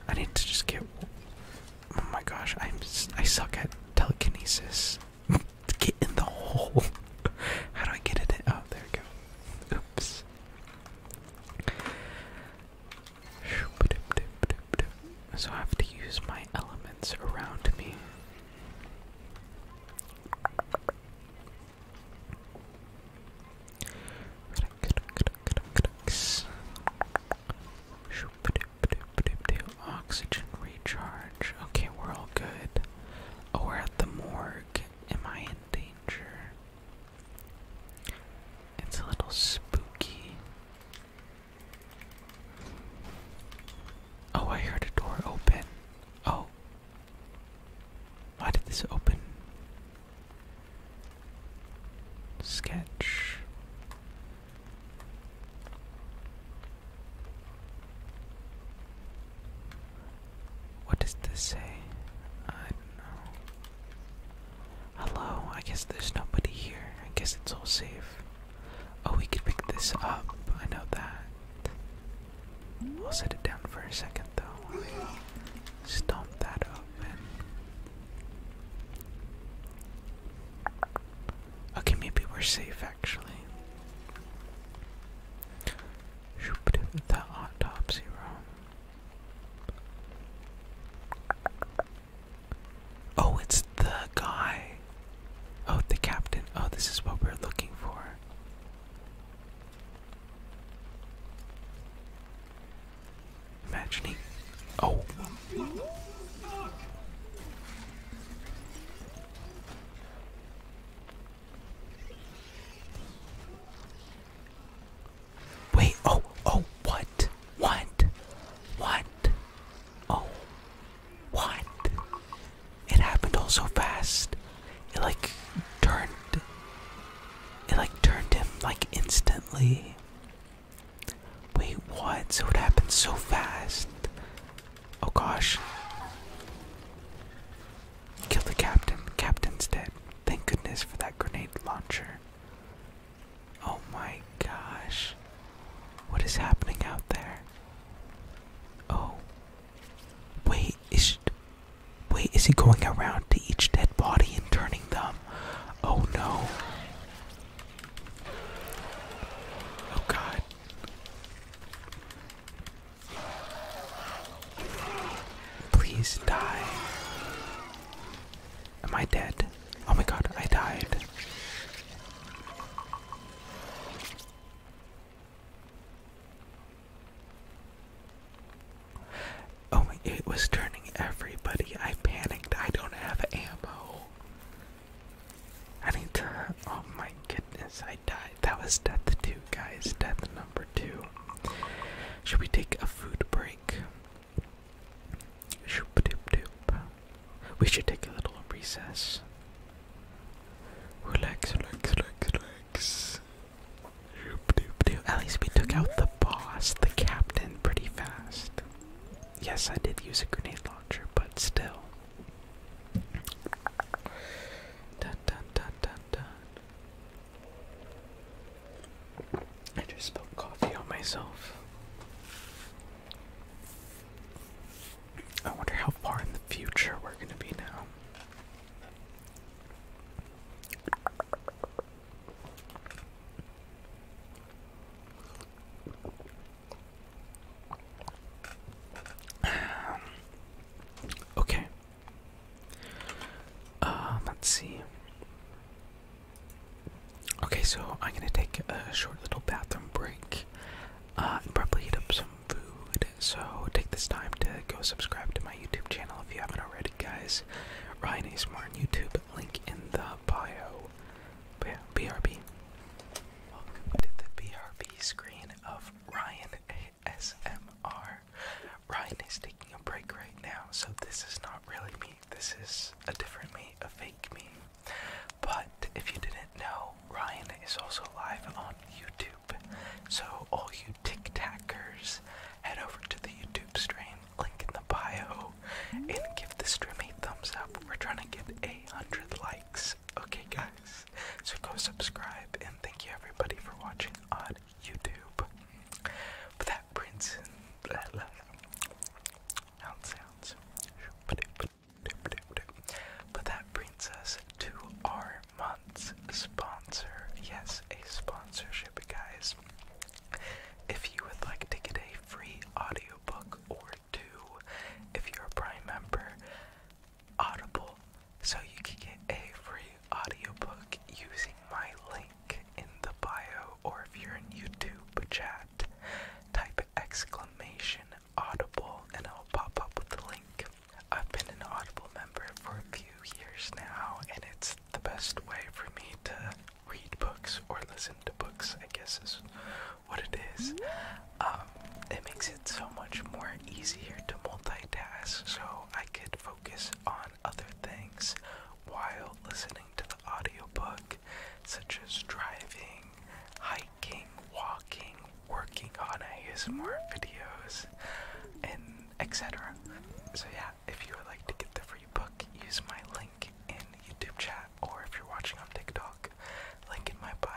I need to just get. Oh my gosh, I'm I suck at telekinesis. get in the hole. How do I get it? Oh, there we go. Oops. So I have to use my elements around me Oxygen recharge. Okay, we're all good. Oh, we're at the morgue. Am I in danger? It's a little spooky. Oh, I heard a door open. Oh. Why did this open? Sketch. What does this say? I don't know. Hello, I guess there's nobody here. I guess it's all safe. Oh, we could pick this up. I know that. I'll set it down for a second though. stomp that open. Okay, maybe we're safe actually. The autopsy room. Oh, it's the guy. Oh, the captain. Oh, this is what we're looking for. Imagining. Oh. Wait, oh, oh, what? What? What? Oh, what? It happened all so fast. It like turned. It like turned him like instantly. Wait, what? So it happened so fast. Oh gosh. Killed the captain. Captain's dead. Thank goodness for that grenade launcher. Oh my gosh. What is happening out there? Oh, Wait, is wait, is he going around to each dead body and turning them? Oh no. Oh god. Please die. Am I dead? Oh my god, I died. Oh it was turning everybody. I panicked. I don't have ammo. I need to. Oh my goodness, I died. That was death two, guys. Death number two. Should we take a food break? Shoop doop doop. We should take a little recess. Relax, relax, relax, relax. At least we took out the boss, the captain, pretty fast. Yes, I did use a grenade launcher, but still. Dun, dun, dun, dun, dun. I just spilled coffee on myself. I wonder how far in the future we're gonna be now. Um, okay. Uh, let's see. Okay, so I'm gonna take a short little bathroom break uh, probably heat up some food. So take this time to go subscribe to my YouTube channel if you haven't already, guys. Ryan A. Smart YouTube, link in the bio. But yeah, BRB. Welcome to the BRB screen of Ryan ASMR. Ryan is taking a break right now, so this is not really me. This is a different me, a fake me. But if you didn't know, Ryan is also live on YouTube. So, all you tic tackers, head over to the YouTube stream, link in the bio, and give the stream a thumbs up. We're trying to get a hundred likes. Okay, guys, so go subscribe, and thank you everybody for watching on YouTube. that brings but that brings us to our month's sponsor. Yes, a sponsorship, guys. If you would like to get a free audiobook or two, if you're a Prime member, Audible, so you can get a free audiobook using my link in the bio, or if you're in YouTube chat, type exclamation Audible and I'll pop up with the link. I've been an Audible member for a few years now, and it's the best way for me to read books or listen to books, I guess is what it is. Um, it makes it so much more easier to multitask, so I could focus on other things while listening to the audio book, such as driving, hiking walking, working on ASMR videos, and etc. So yeah, if you would like to get the free book, use my link in YouTube chat, or if you're watching on TikTok, link in my bio.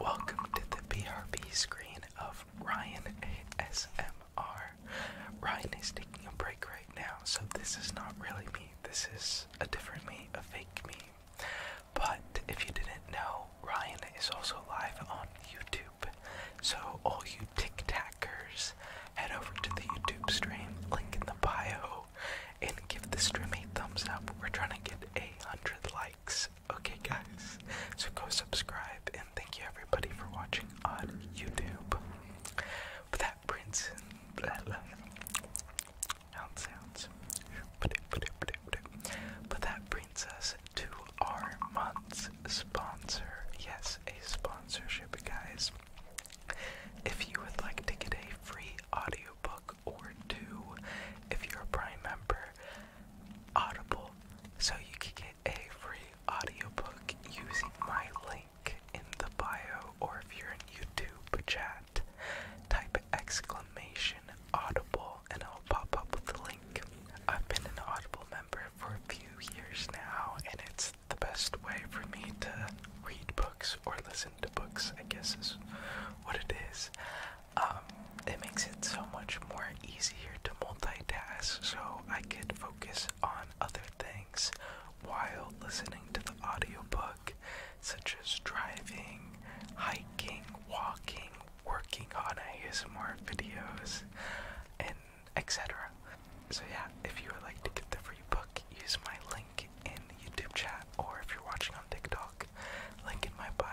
Welcome to the BRB screen of Ryan ASMR. Ryan is taking a break right now, so this is not really this is a different me, a fake me. But if you didn't know, Ryan is also live on YouTube. So all you tic tackers, head over to the YouTube stream, link in the bio, and give the stream a thumbs up. We're trying to get a hundred likes. Okay guys. So go subscribe and thank you everybody for watching on YouTube with that prince and sounds. But that brings us to our month's sponsor. Yes, a sponsorship, guys. If you would like to get a free audiobook or two, if you're a Prime member, Audible. So you can get a free audiobook using my link in the bio or if you're in YouTube chat, type exclamation audible and it'll pop up with the link. I've been an Audible member for a few years now and it's the best way for me to read books or listen to books, I guess is what it is. Um, it makes it so much more easier to multitask so I could focus on other things while listening to the audiobook, such as driving, hiking, walking, working on ASMR videos, and etc. So yeah, if you would like to get the free book, use my link in YouTube chat, or if you're watching on TikTok, link in my bio.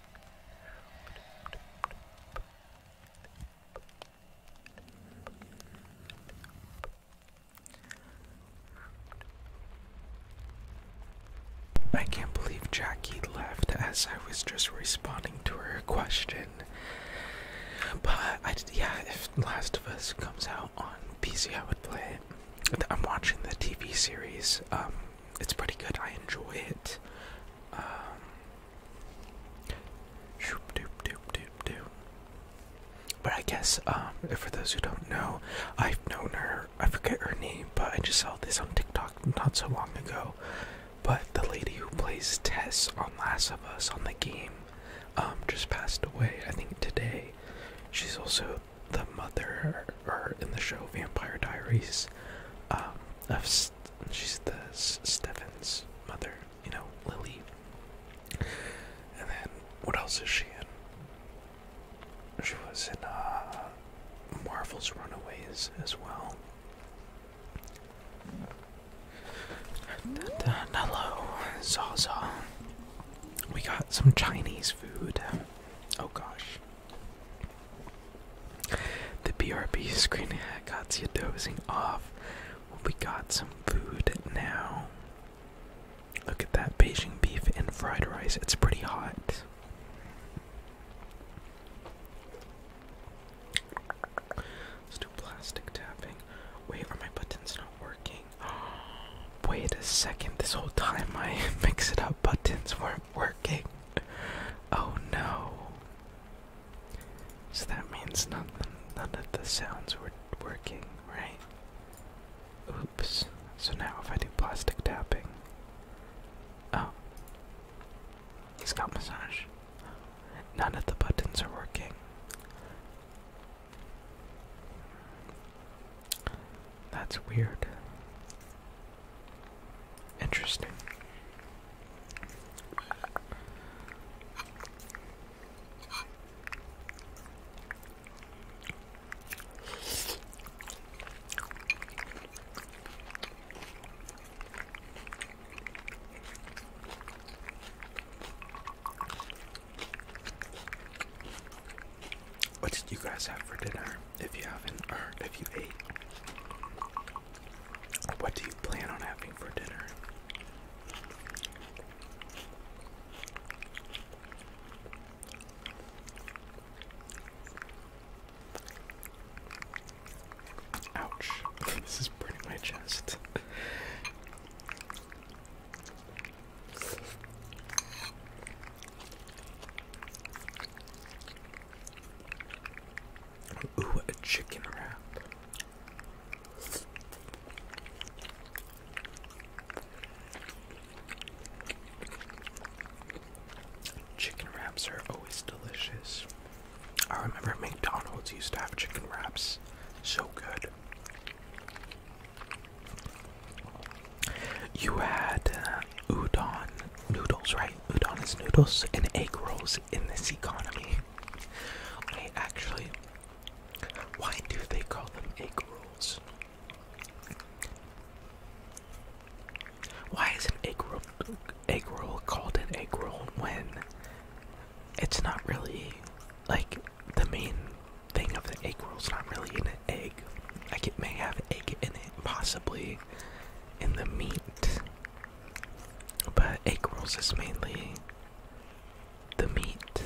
I can't believe Jackie left as I was just responding to her question. But I did, yeah, if Last of Us comes out on PC, I would play it. I'm watching the TV series. Um, it's pretty good. I enjoy it. Um, but I guess um, for those who don't know, I've known her. I forget her name, but I just saw this on TikTok not so long ago. But the lady who plays Tess on Last of Us on the game um, just passed away. I think today. She's also the mother, or in the show Vampire Diaries, um, she's the S mother, you know, Lily. And then what else is she in? She was in uh, Marvel's Runaways as well. Hello, Zaza. We got some Chinese food. Oh gosh. The BRB screen hack got you dozing off. We got some food now. Look at that Beijing beef and fried rice. It's pretty hot. Let's do plastic tapping. Wait, my buttons not working? Wait a second. This whole time my mix it up buttons weren't working. Oh no. So that means nothing, none of the sounds were working, right? Oops. So now if I do plastic tapping. Oh. He's got massage. None of the buttons are working. That's weird. Interesting. What did you guys have for dinner? if you haven't, or if you ate, what do you plan on having for dinner? Ouch, this is burning my chest. Ooh, a chicken wrap. Chicken wraps are always delicious. I remember McDonald's used to have chicken wraps. So good. You had uh, udon noodles, right? Udon is noodles and egg rolls in this economy. Okay, actually, why do they call them egg rolls? Why is an egg roll, egg roll called an egg roll when it's not really like the main thing of the egg roll is not really an egg? Like it may have egg in it, possibly, in the meat. But egg rolls is mainly the meat.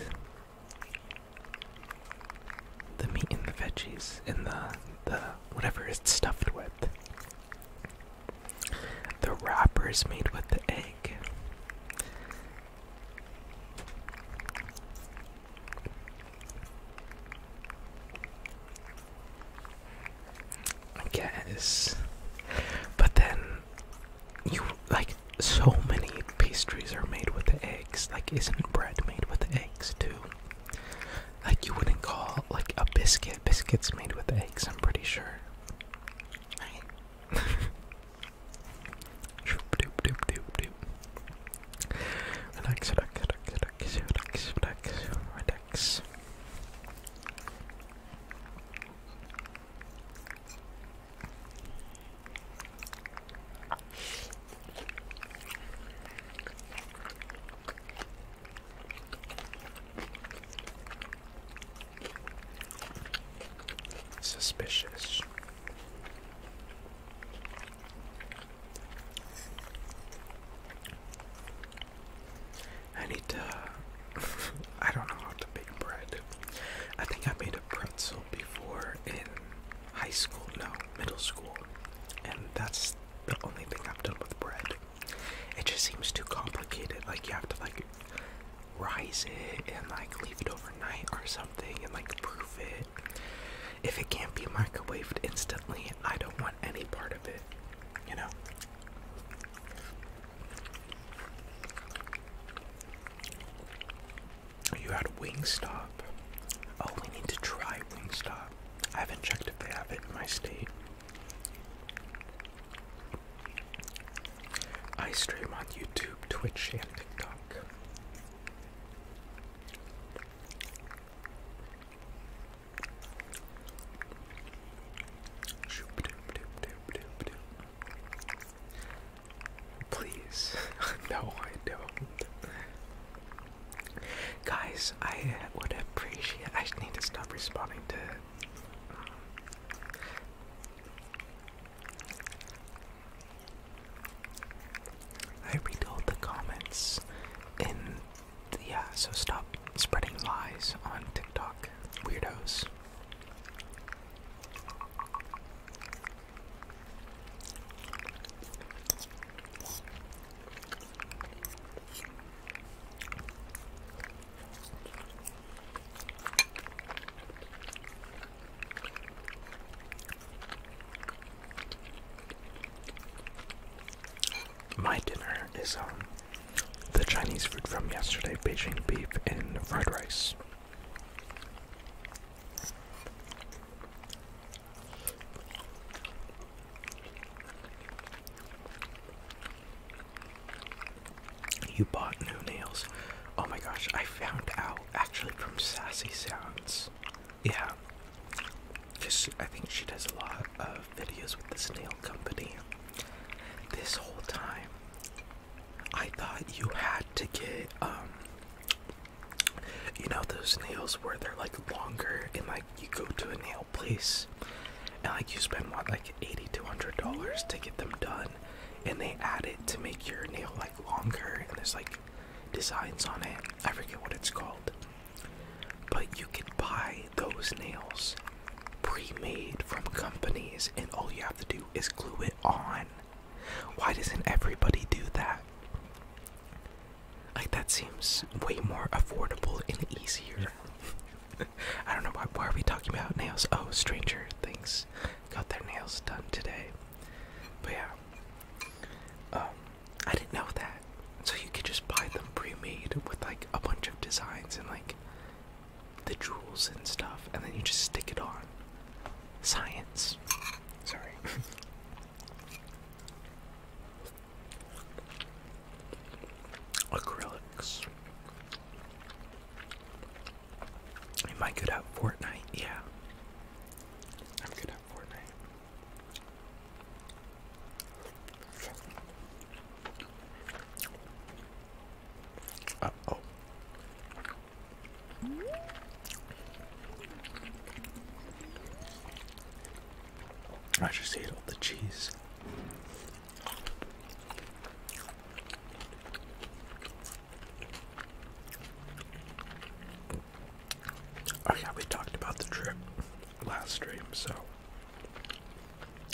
The meat and the veggies and the the whatever it's stuffed with. The wrapper is made with the egg. I guess. But then you like so many pastries are made with eggs. Like isn't bread made with eggs too? Like you wouldn't call like a biscuit biscuits made with eggs, I'm pretty sure. Right? six. Suspicious. I need to. I don't know how to make bread. I think I made a pretzel before in high school, no, middle school, and that's the only thing I've done with bread. It just seems too complicated. Like you have to like rise it and like leave it overnight or something and like proof it. If it can't be microwaved instantly, I don't want any part of it you know. You had Wingstop. Oh, we need to try Wingstop. I haven't checked if they have it in my state. I stream on YouTube, Twitch, and TikTok. Please, no, I don't. Guys, I would appreciate. I need to stop responding to. Um, I read all the comments in yeah, so stop spreading lies on TikTok, weirdos my dinner is um the Chinese food from yesterday, Beijing beef and fried rice. You bought new nails. Oh my gosh, I found out actually from Sassy Sounds. Yeah. Cause I think she does a lot of videos with the snail company. This whole time, I thought you had to get, um, you know, those nails where they're like longer and like you go to a nail place and like you spend like 80 to $100 to get them done and they add it to make your nail like longer and there's like designs on it. I forget what it's called. But you can buy those nails pre-made from companies and all you have to do is glue it on. Why doesn't everybody do that? Like that seems way more affordable and easier. I don't know why why are we talking about nails? Oh, Stranger Things got their nails done today. But yeah. Um I didn't know that. So you could just buy them pre-made with like a bunch of designs and like the jewels and stuff, and then you just stick it on. Science. Sorry. Acrylics. Am I good at Fortnite? Yeah. I'm good at Fortnite oh. I just ate all the cheese. Oh we talked about the trip last stream, so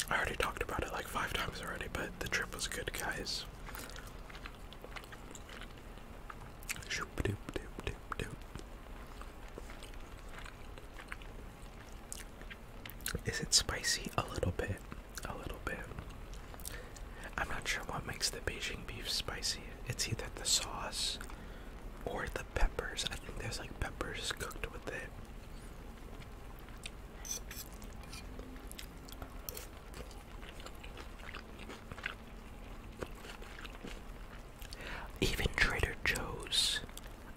I already talked about it like five times already, but the trip was good, guys. Is it spicy? A little bit. A little bit. I'm not sure what makes the Beijing beef spicy. It's either the sauce or the peppers. I think there's like peppers cooked with it. Even Trader Joe's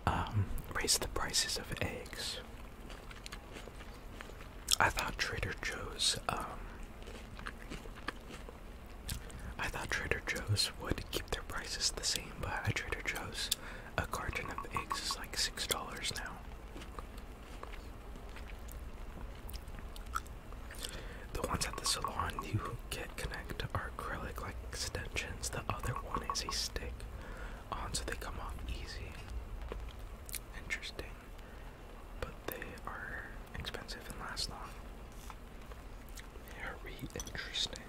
um, raised the prices of eggs. I thought Trader Joe's, um, I thought Trader Joe's would keep their prices the same, but at Trader Joe's, a carton of eggs is like six dollars now. The ones at the salon you get connect are acrylic like extensions. The other one is a stick on so they come off easy. Interesting. But they are expensive and last long. Very interesting.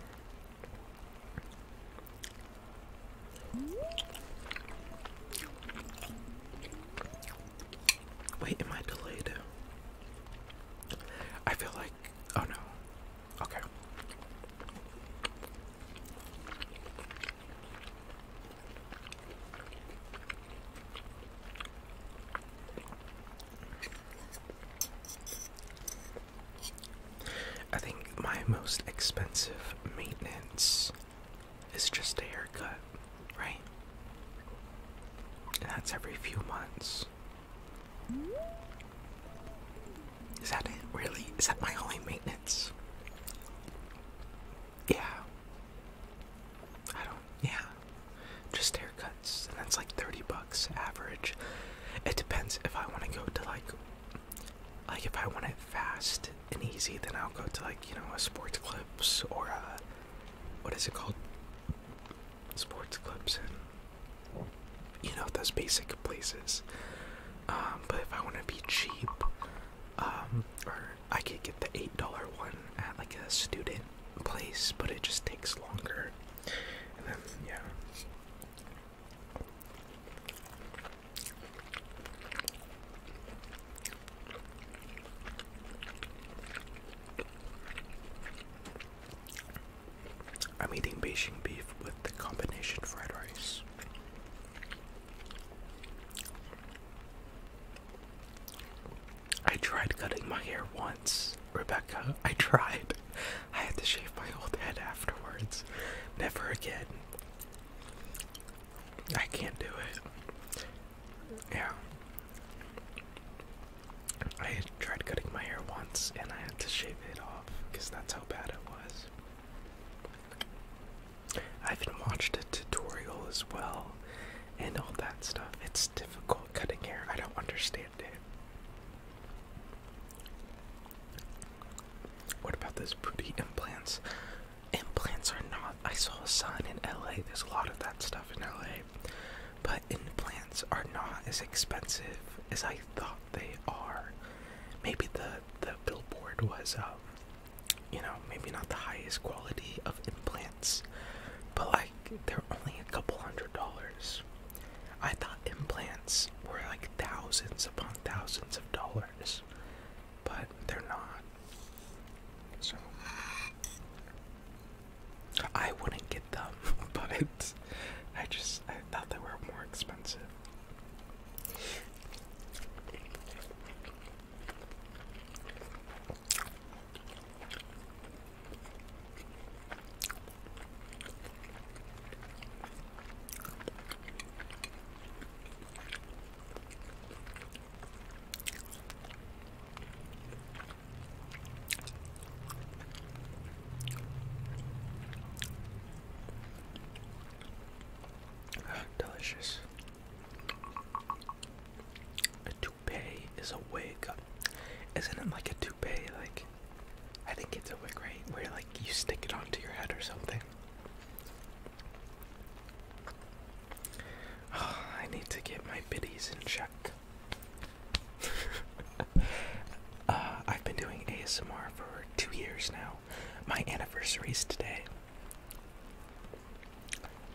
Wait, am I delayed? I feel like. Oh no. Okay. I think my most expensive maintenance is just a haircut, right? And that's every few months. Is that it? Really? Is that my only maintenance? Yeah. I don't, yeah. Just haircuts. And that's like 30 bucks average. It depends if I want to go to like like if I want it fast and easy, then I'll go to like you know a sports clips or a what is it called? Sports clips and you know those basic places. Um, but if I want to be cheap, um, or I could get the eight dollar one at like a student place, but it just takes longer. And then yeah, I'm eating Beijing beef with the combination fried rice. I tried cutting my hair once, Rebecca. I tried. I had to shave my old head afterwards. Never again. I can't do it. Yeah. I tried cutting my hair once and I had to shave it off because that's how bad it was. I even watched a tutorial as well and all that stuff. It's difficult cutting hair. I don't understand it. What about this booty implants? Implants are not. I saw a sign in LA. There's a lot of that stuff in LA. But implants are not as expensive as I thought they are. Maybe the the billboard was um, you know, maybe not the highest quality of implants. But like they're only a couple hundred dollars. I thought implants were like thousands upon thousands of dollars, but they're not. So I wouldn't get them, but I just I thought they were more expensive. Delicious. A toupee is a wig. Isn't it like a toupee? Like, I think it's a wig, right? Where, like, you stick it onto your head or something. I need to get my biddies in check. Uh, I've been doing ASMR for two years now. My anniversary is today.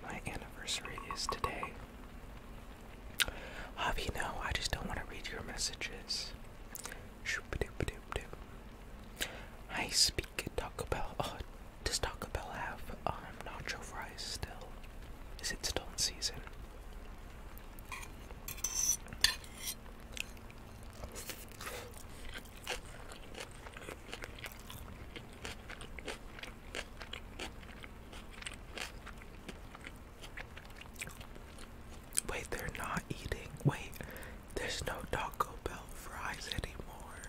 My anniversary is today. Javi, no, I just don't want to read your messages. I speak at Taco Bell. Oh, does Taco Bell have um, nacho fries still? Is it still in season? Wait, they're not eating. Wait, there's no Taco Bell fries anymore.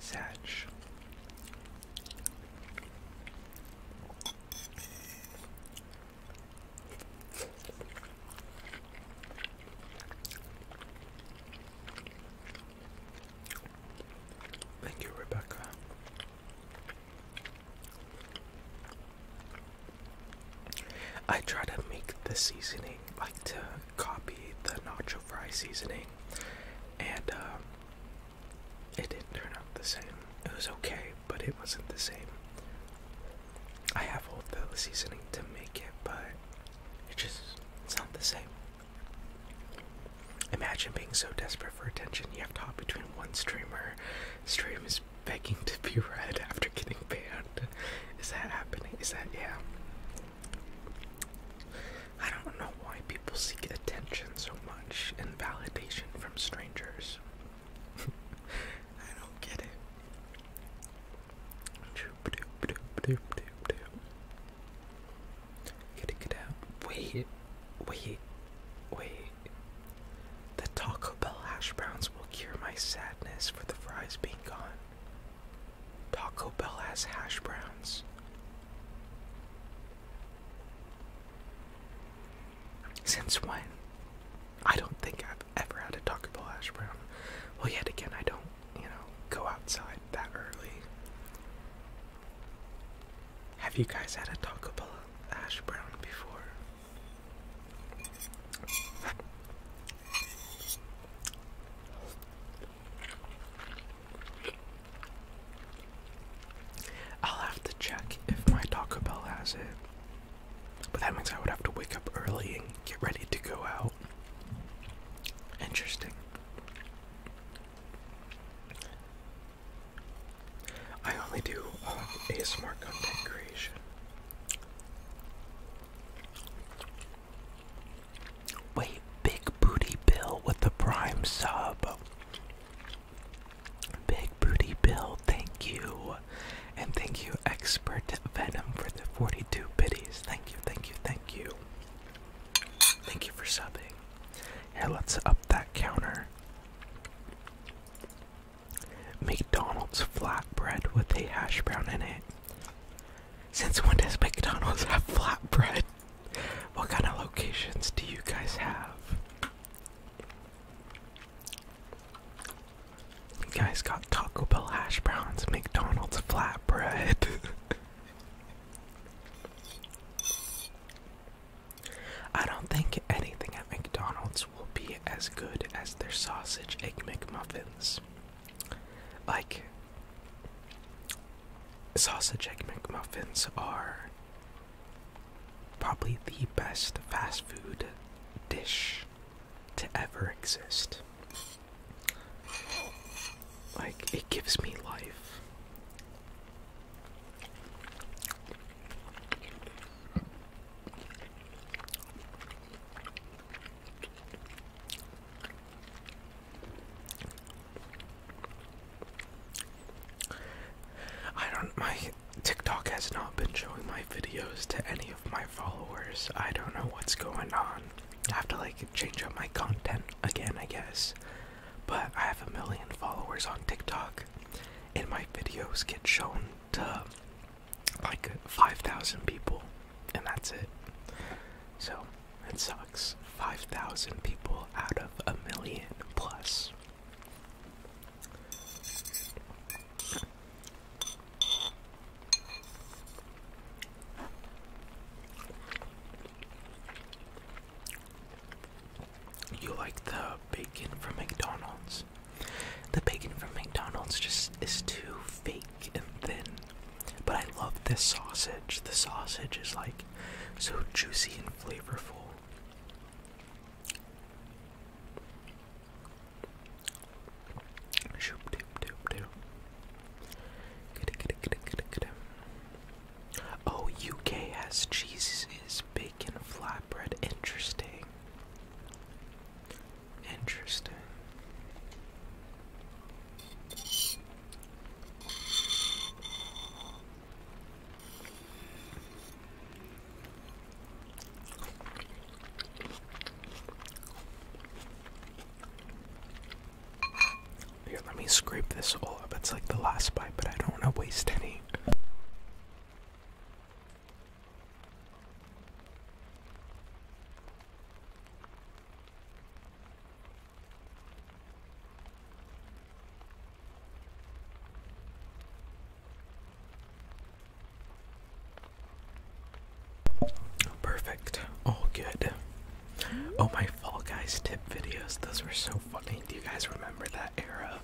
Satch. Thank you, Rebecca. I try to make the seasoning like to copy the nacho fry seasoning, and um, it didn't turn out the same. It was okay, but it wasn't the same. I have all the seasoning to make it, but it just it's not the same. Imagine being so desperate for attention you have to hop between one streamer, streams just begging to be read after getting banned. Is that happening? Is that yeah? I don't know why people seek attention so much and validation from strangers. I don't get it. Wait, wait, wait. The Taco Bell hash browns will cure my sadness for the fries being gone. Taco Bell has hash browns. Since when? I don't think I've ever had a Taco Bell hash brown. Well, yet again, I don't, you know, go outside that early. Have you guys had a Taco Bell hash brown before? I'll have to check if my Taco Bell has it. But that means I would have to wake up early and get ready to go out. Interesting. I only do um, ASMR content creation. Wait, Big Booty Bill with the prime sub. Big Booty Bill, thank you. And thank you, Expert Venom, for the 42 biddies. Thank you, thank you, thank you. Thank you for subbing. Yeah, let's up that counter. McDonald's flatbread with a hash brown in it. Since when does McDonald's have flatbread? What kind of locations do you guys have? guys got Taco Bell hash browns, McDonald's flatbread. I don't think anything at McDonald's will be as good as their sausage egg McMuffin. Like, sausage egg McMuffins are probably the best fast food dish to ever exist. Like, it gives me life. I don't, my TikTok has not been showing my videos to any of my followers. I don't know what's going on. I have to like change up my content again, I guess. But I have a million followers on TikTok, and my videos get shown to like 5,000 people, and that's it. So it sucks. 5,000 people out of a million plus. You like the bacon from McDonald's? The bacon from McDonald's just is too fake and thin. But I love this sausage. The sausage is like so juicy and flavorful. Oh, UK has cheeses, bacon, flatbread. Interesting. Interesting. Here, let me scrape this all up. It's like the last bite, but I don't want to waste any. Perfect. All good. Oh, my Fall Guys tip videos. Those were so funny. Do you guys remember that era?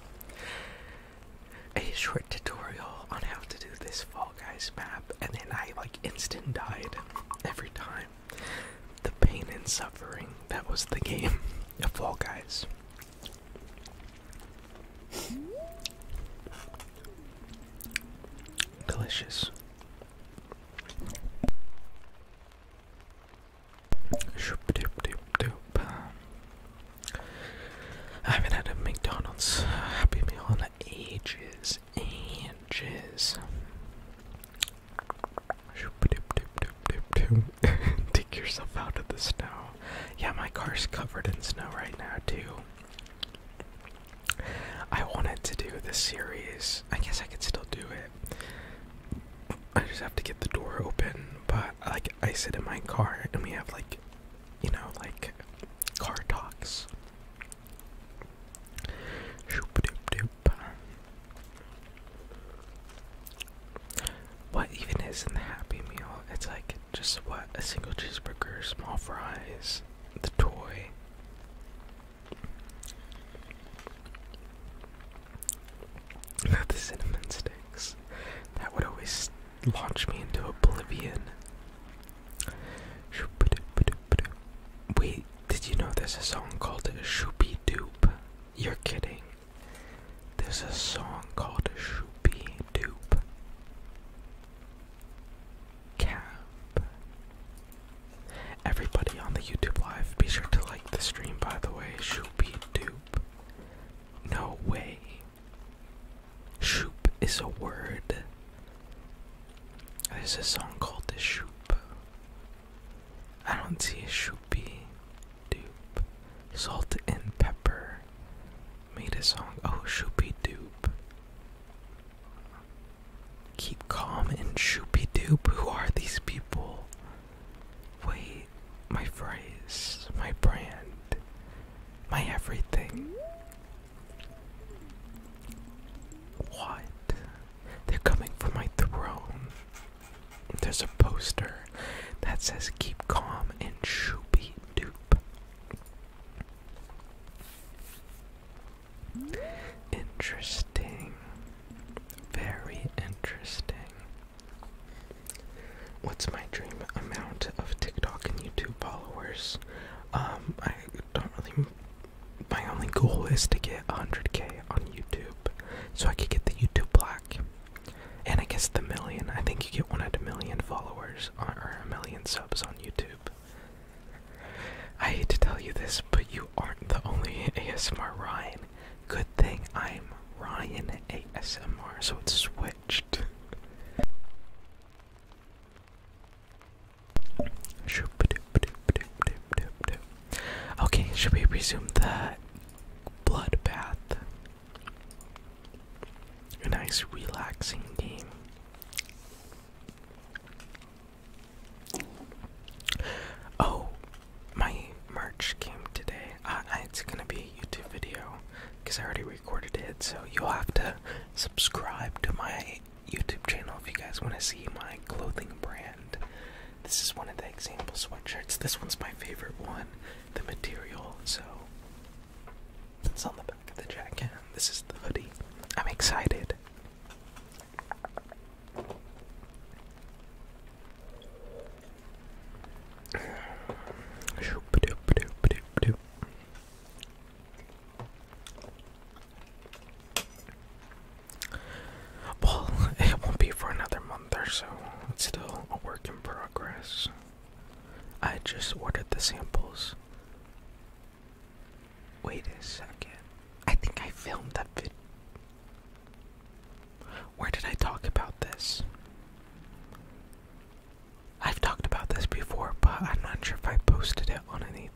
A short tutorial on how to do this Fall Fall Guys map, and then I like instant died every time. The pain and suffering that was the game of Fall Guys. Delicious. I haven't had a McDonald's Happy Meal in ages, ages. Take yourself out of the snow. Yeah, my car's covered in snow right now, too. I wanted to do this series. I guess I could still do it. I just have to get the door open, but like I sit in my car and we have like you know, like car talks. What even is in the Happy Meal? It's like just what? A single cheeseburger, small fries, the toy. the cinnamon sticks. That would always launch me into oblivion. Wait, did you know there's a song called Shoopy Doop? You're kidding. There's a song called Shoopy Doop. Cap. Everybody on the YouTube live, be sure to like the stream by the way. Shoopy Doop. No way. Shoop is a word. There's a song called The Shoop. I don't see a shoopy. Dupe. Salt and Pepper made a song. Oh, shoopy doop. Keep calm and shoopy doop. Who are these people? Wait, my phrase, my brand, my everything. What? They're coming for my throne. There's a poster that says keep calm and shoopy doop. Interesting. Very interesting. What's my dream amount of TikTok and YouTube followers? Um, I don't really my only goal is to get 100k on YouTube so I could get the YouTube black. And I guess the million. I think you get one at million followers or a million subs on YouTube. I hate to tell you this, but you aren't the only ASMR Ryan. Good thing I'm Ryan ASMR, so it's switched. Okay, should we resume the bloodbath? A nice relaxing game. Oh, my merch came today. Uh, uh, it's gonna be a YouTube video because I already recorded it, so you'll have to subscribe to my YouTube channel if you guys want to see my clothing brand. This is one of the example sweatshirts. This one's my favorite one, the material, so it's on the back of the jacket. This is the hoodie. I'm excited. Well, it won't be for another month or so. It's still a work in progress. I just ordered the samples. Wait a second. I think I filmed that vid. Where did I talk about this? I've talked about this before, but I'm not sure if I posted it on anything.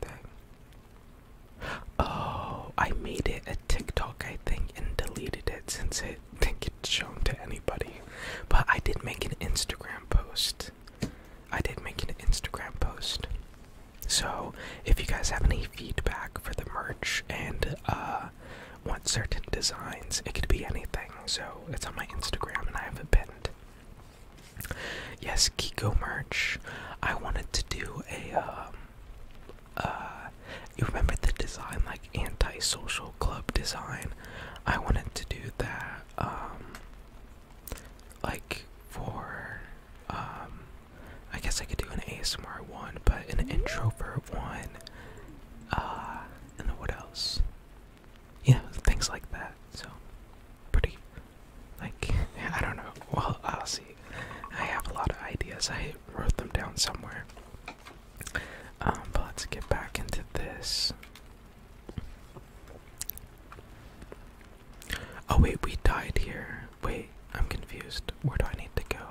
Oh, I made it a TikTok, I think, and deleted it since it didn't get shown to anybody. But I did make an Instagram post. I did make an Instagram post. So, if you guys have any feedback for the merch and uh, want certain designs, it could be anything. So, it's on my Instagram and I have a pinned. Yes, Kiko merch. I wanted to do a um uh you remember the design like antisocial club design? I wanted to do that um like for um I guess I could do an ASMR one, but an introvert one. Uh and what else? Yeah, things like that. So pretty. Like, I don't know. Well, I'll see. I have a lot of ideas. I wrote them down somewhere. Um, but let's get back into this. Oh, wait, we died here. Wait, I'm confused. Where do I need to go?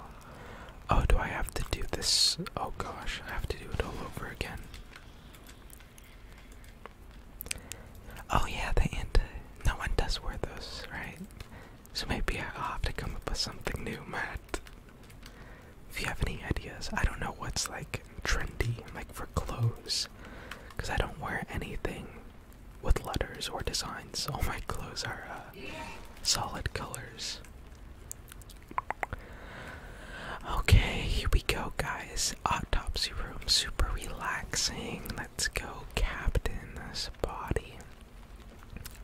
Oh, do I have to do this? Oh gosh, I have to do it all over again. Oh yeah, the anti. No one does wear those, right? So maybe I'll have to come up with something new, Matt. If you have any ideas, I don't know what's like trendy, like for clothes, because I don't wear anything with letters or designs. All my clothes are uh, solid colors. Okay, here we go, guys. Autopsy room, super relaxing. Let's go captain this body.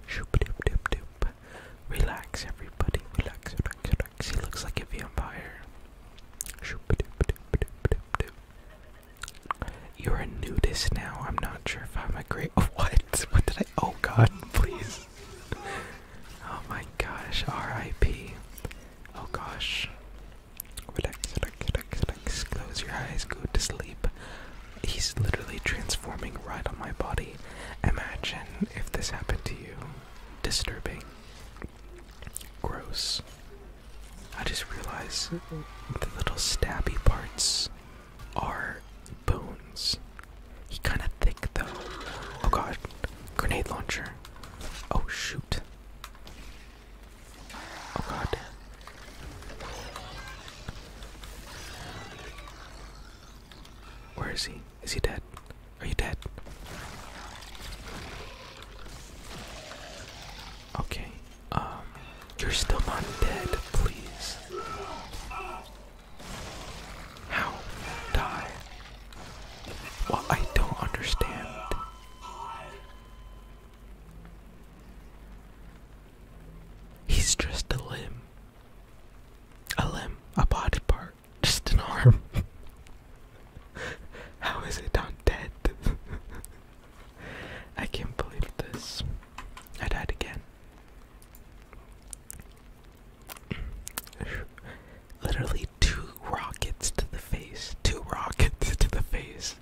Shoop doop doop doop. Relax everybody. Relax, relax, relax. He looks like a vampire. Shoop doop doop doop doop doop. You're a nudist now. I'm not sure if I'm a great what? What did I oh god, please. Oh my gosh, R.I.P. Oh gosh. Relax, relax, relax, relax. Close your eyes, go to sleep. He's literally transforming right on my body. Imagine if this happened to you. Disturbing. Gross. I just realized the little stabby parts are bones. He's kinda thick though. Oh god. Grenade launcher. Oh shoot. Oh god. Where is he? Is he dead? Are you dead? Okay. Um, you're still not dead, please. How? Die? Well, I don't understand. He's just a limb. A limb, a body part, just an arm. How is it not dead? I can't believe this. I died again. Literally two rockets to the face. Two rockets to the face.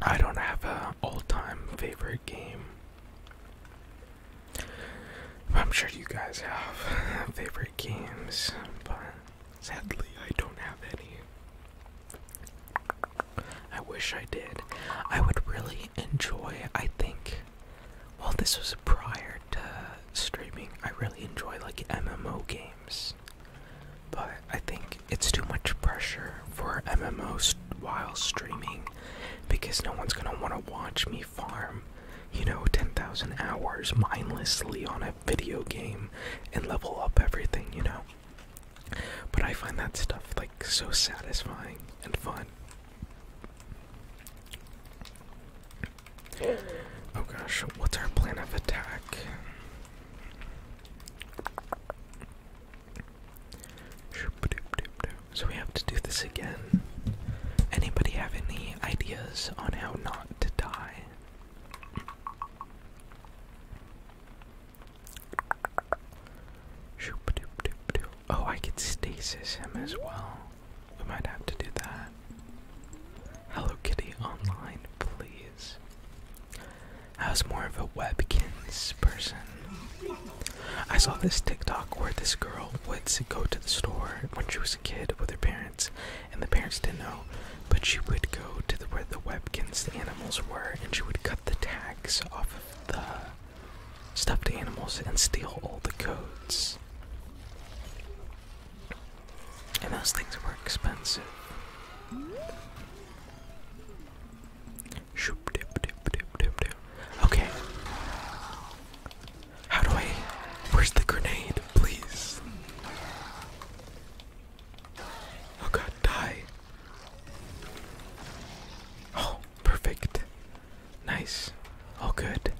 I don't have an all time favorite game. I'm sure you guys have favorite games, but sadly, I don't have any. I wish I did. I would really enjoy, I think, well, this was prior to streaming. I really enjoy like MMO games. But I think it's too much pressure for MMOs while streaming because no one's gonna want to watch me farm, you know, 10,000 hours mindlessly on a video game and level up everything, you know. But I find that stuff like so satisfying and fun. Oh gosh, what's our plan of attack? So we have to do this again. Anybody have any ideas on how not to die? Oh, I could stasis him as well. We might have to do that. Hello Kitty online, please. I was more of a webkins person. I saw this TikTok where this girl would go to the store when she was a kid with her parents, and the parents didn't know, but she would go to where the webkins the animals were, and she would cut the tags off of the stuffed animals and steal all the codes. And those things were expensive. Okay. How do I. Where's the grenade, please? Oh god, die. Oh, perfect. Nice. All good.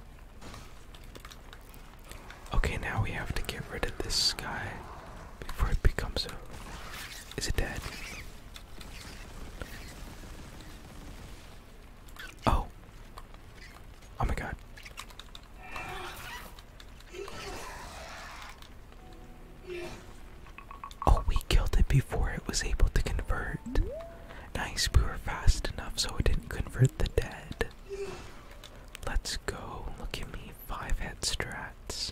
Okay, now we have to get rid of this guy before it becomes a. Is it dead? Oh. Oh my god. Oh, we killed it before it was able to convert. Nice, we were fast enough so it didn't convert the dead. Let's go. Look at me. Five head strats.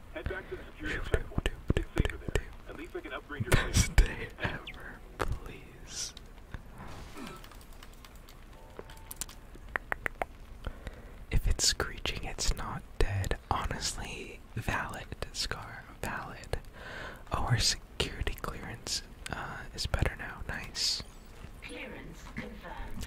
Head back to the security checkpoint. It's safer there. At least I can upgrade your place. Stay ever, please. If it's screeching, it's not dead. Honestly, valid, Scar. Valid. our security clearance uh, is better now. Nice. Clearance confirmed.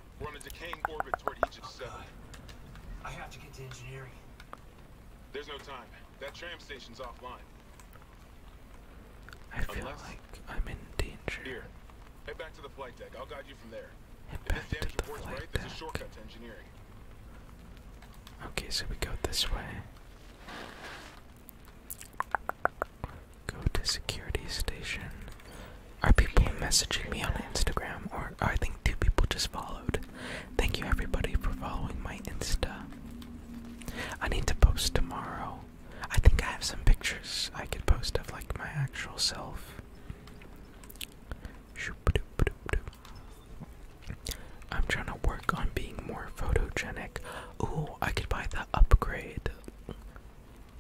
We're on a decaying orbit toward Aegis 7. I have to get to engineering. There's no time. That tram station's offline. I feel like I'm in danger. Here. Head back to the flight deck. I'll guide you from there. if this damage report's right, there's a shortcut to engineering. Okay, so we go this way. Go to security station. Are people messaging me on Instagram? Or I think two people just followed. Thank you everybody for following my Insta. I need to post tomorrow. I think I have some pictures I could post of like my actual self. I'm trying to work on being more photogenic. Ooh, I could buy the upgrade.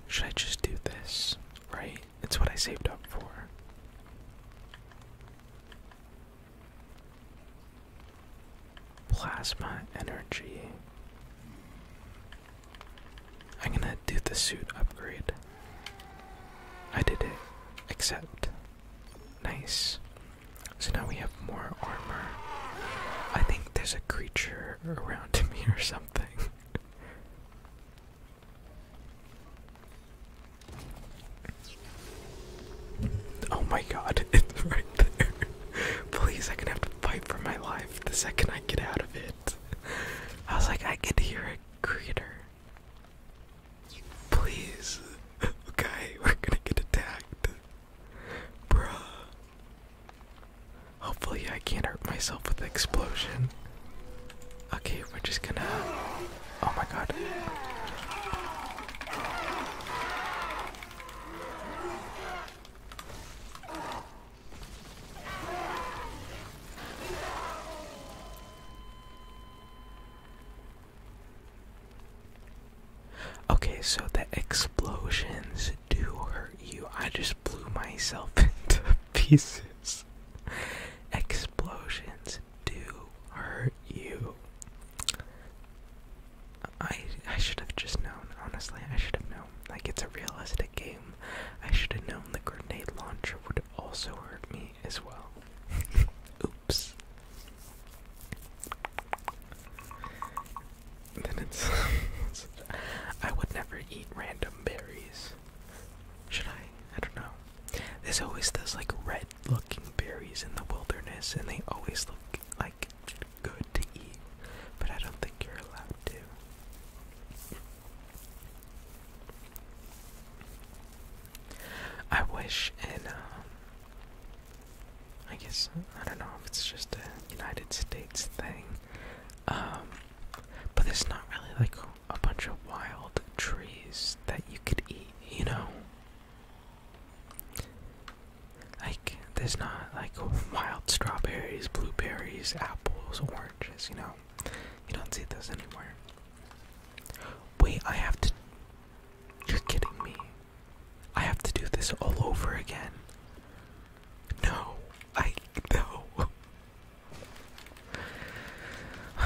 Should I just do this? Right? It's what I saved up for. Plasma energy. I'm gonna do the suit upgrade. I did it. Except. Nice. So now we have more armor. I think there's a creature around me or something. Oh my god, it's right there. Please, I can have to fight for my life the second I get out of it. I was like, I could hear a critter. Please. Okay, we're gonna get attacked. Bruh. Hopefully, I can't hurt myself with the explosion. Okay, we're just gonna. Oh my god. Okay, so the explosions do hurt you. I just blew myself into pieces. Explosions do hurt you. I I should have just known, honestly, I should have known. Like it's a realistic game. I should have known the grenade launcher would also hurt me as well. Oops. Then it's I would never eat random berries. Should I? I don't know. There's always those like red looking berries in the wilderness and they always look like good to eat, but I don't think you're allowed to. I wish in, um, I guess, I don't know if it's just a United States thing, um, but it's not really like a bunch of wild trees that you could eat, you know? Like, there's not like wild strawberries, blueberries, apples, oranges, you know? You don't see those anymore. Wait, I have to. You're kidding me. I have to do this all over again. No, I. No. I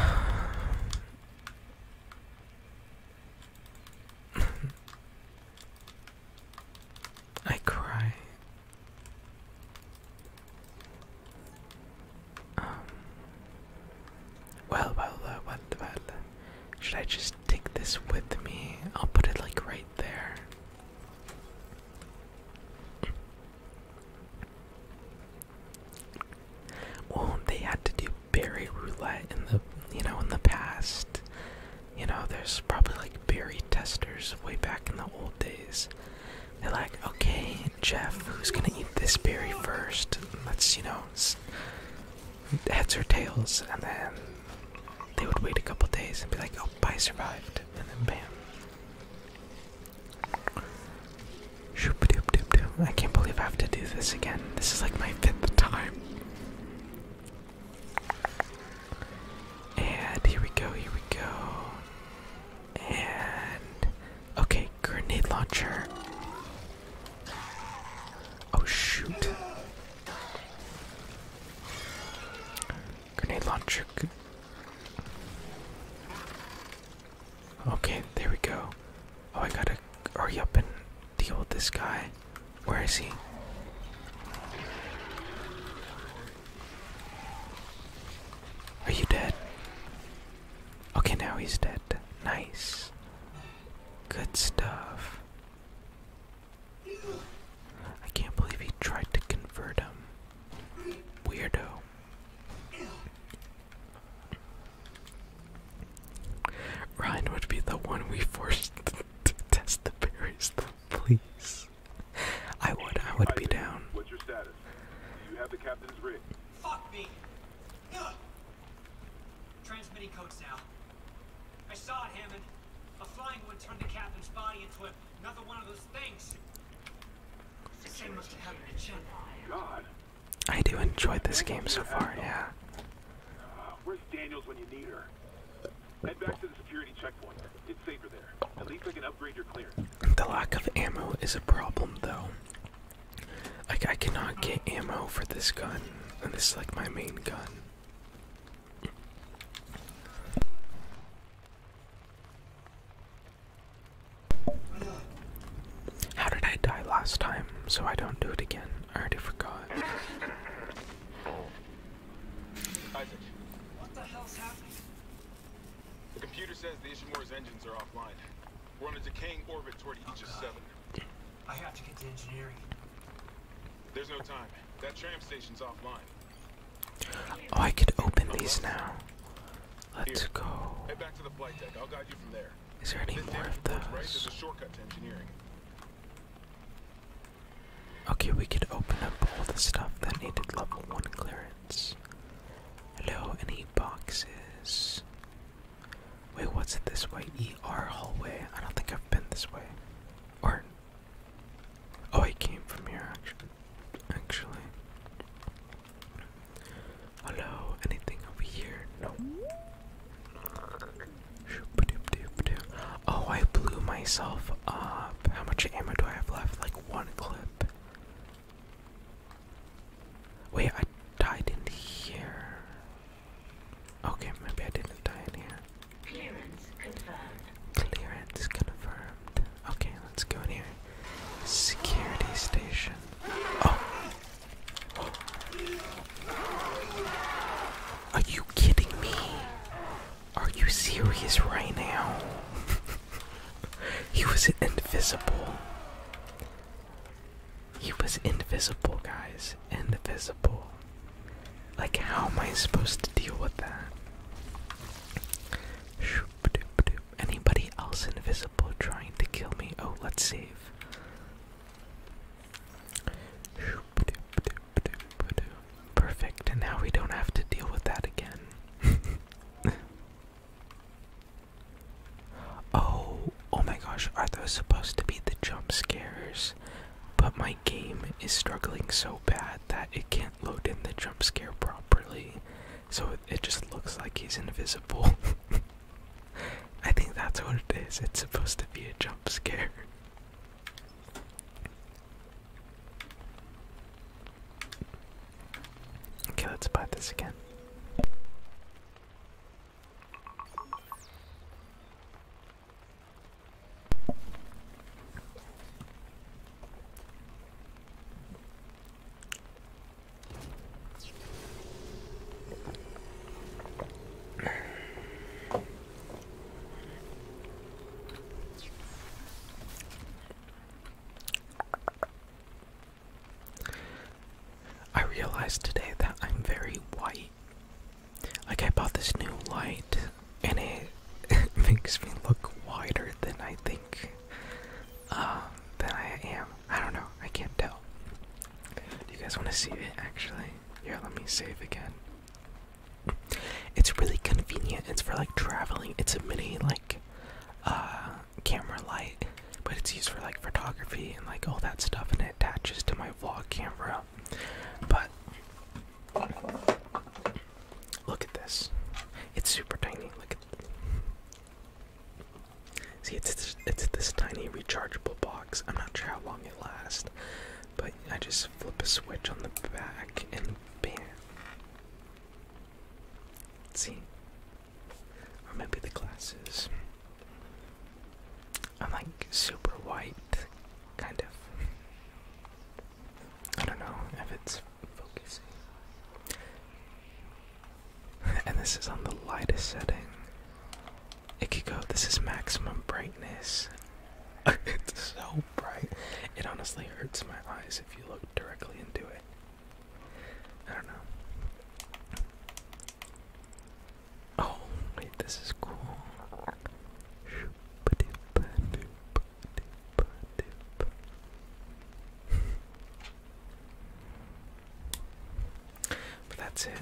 cry. Um, well, well, uh, well, well. Uh, should I just take this with me? I'll put it like right there. Well, they had to do berry roulette in the you know in the past. You know, there's probably like berry testers way back in the old days. They're like, okay, Jeff, who's gonna eat this berry first? Let's you know, heads or tails, and then they would wait a couple days and be like, oh, I survived, and then bam. I can't believe I have to do this again. This is like my fifth time. And here we go, here we go. And. Okay, grenade launcher. Oh shoot. Grenade launcher. Okay, there we go. Oh, I gotta hurry up and deal with this guy. Where is he? Are you dead? Okay, now he's dead. Nice. Good stuff. I can't believe he tried to convert him. Weirdo. Ryan would be the one we forced to test the berries, please. I would, I would be down. What's your status? Do you have the captain's rig? Fuck me! Transmitting codes now. I saw it, Hammond. A flying one turned the captain's body into a, another one of those things. I do enjoy this game so far, yeah. where's Daniels when you need her? Head back to the security checkpoint. It's safer there. At least I can upgrade your clear. The lack of ammo is a problem, though. Like, I cannot get ammo for this gun, and this is like my main gun. How did I die last time? So I don't do it again. I already forgot. Isaac. What the hell's happening? The computer says the Ishimura's engines are offline. We're in a decaying orbit toward Aegis oh 7. I have to get to engineering. There's no time. That tram station's offline. Oh, I could open these now. Let's Here. go. Head back to the flight deck. I'll guide you from there. Is there any this more of those? Right? There's a shortcut to engineering. Okay, we could open up all the stuff that needed level one clearance. Hello, any boxes? Wait, what's it this way? ER hallway. I don't think I've been this way. Or oh, I came from here actually. Actually, Hello, anything over here? No. Oh, I blew myself up. How much ammo do I have left? Like one clip. Wait, I died in here. Okay, maybe I didn't die in here. Clearance confirmed. Clearance confirmed. Okay, let's go in here. Security station. Oh. Are you kidding me? Are you serious right now? he was invisible. He was invisible, guys. Invisible. Like, how am I supposed to deal with that? Shoot. Anybody else invisible trying to kill me? Oh, let's save. Perfect, and now we don't have to deal with that again. oh, oh my gosh, are those supposed to be the jump scares? But my game is struggling so bad that it can't load in the jump scare properly so it just looks like he's invisible. I think that's what it is. It's supposed to be a jump scare. Okay, let's buy this again. I realized today that I'm very white. Like, I bought this new light, and it, it makes me look wider than I think um, than I am. I don't know. I can't tell. Do you guys want to see it actually? Here, let me save again. It's really convenient. It's for like traveling. It's a mini like uh camera light, but it's used for like photography and like all that stuff and it attaches to my vlog camera. But look at this. It's super tiny. Look at See, it's this, it's this tiny rechargeable box. I'm not sure how long it lasts, but I just flip a switch on the back and bam. See, or maybe the glasses. I'm like super white, kind of. I don't know if it's focusing. and this is on the lightest setting. It this is maximum brightness. it's so bright. It honestly hurts my eyes if you look directly into it. I don't know. Oh, wait, this is cool. But that's it.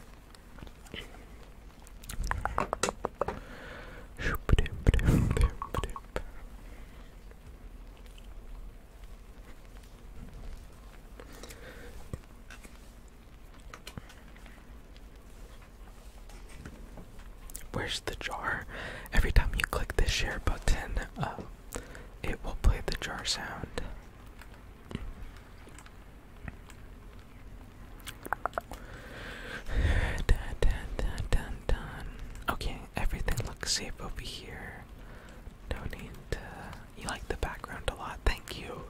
Where's the jar? Every time you click the share button, uh, it will play the jar sound. Dun, dun, dun, dun, dun. Okay, everything looks safe over here. do need You like the background a lot. Thank you.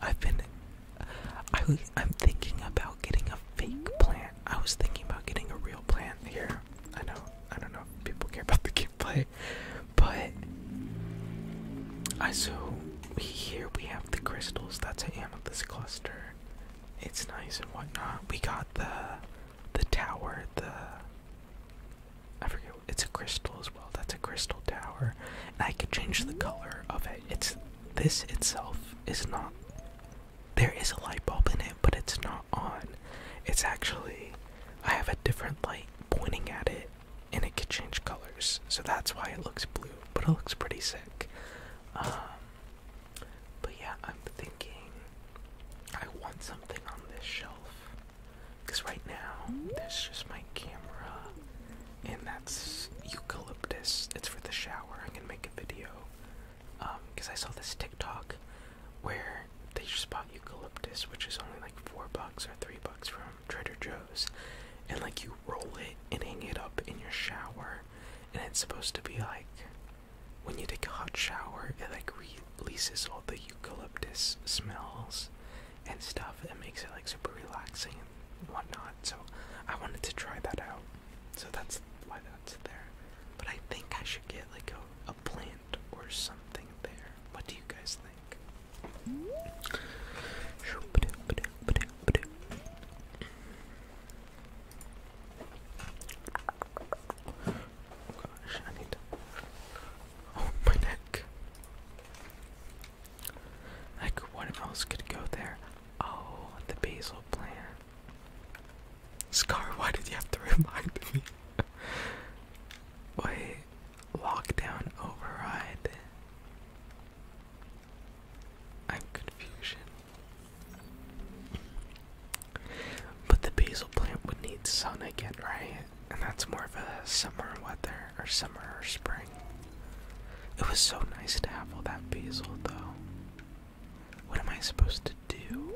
I've been. I, I'm thinking about getting a fake plant. I was thinking about getting a real plant here. I know I don't know if people care about the gameplay, but I so here we have the crystals. That's an amethyst cluster. It's nice and whatnot. We got the the tower. The I forget. It's a crystal as well. That's a crystal tower. And I could change the color of it. It's this itself is not. There is a light bulb in it, but it's not on. It's actually I have a different light pointing at it and it could change colors. So that's why it looks blue, but it looks pretty sick. Um, but yeah, I'm thinking I want something on this shelf because right now there's just my camera and that's eucalyptus. It's for the shower. I can make a video because um, I saw this TikTok where they just bought eucalyptus, which is only like four bucks or three bucks from Trader Joe's, and like you roll it and hang it up in your shower, and it's supposed to be like when you take a hot shower, it like releases all the eucalyptus smells and stuff. and makes it like super relaxing and whatnot. So I wanted to try that out. So that's why that's there. But I think I should get like a plant or something there. What do you guys think? gosh, I need to. Oh, my neck. Like, what else could go there? Oh, the basil plant. Scar, why did you have to remind me? Wait, Lockdown override. I'm confusion. But the basil plant would need sun again, right? And that's more of a summer weather, or summer or spring. It was so nice to have all that basil, though. What am I supposed to do?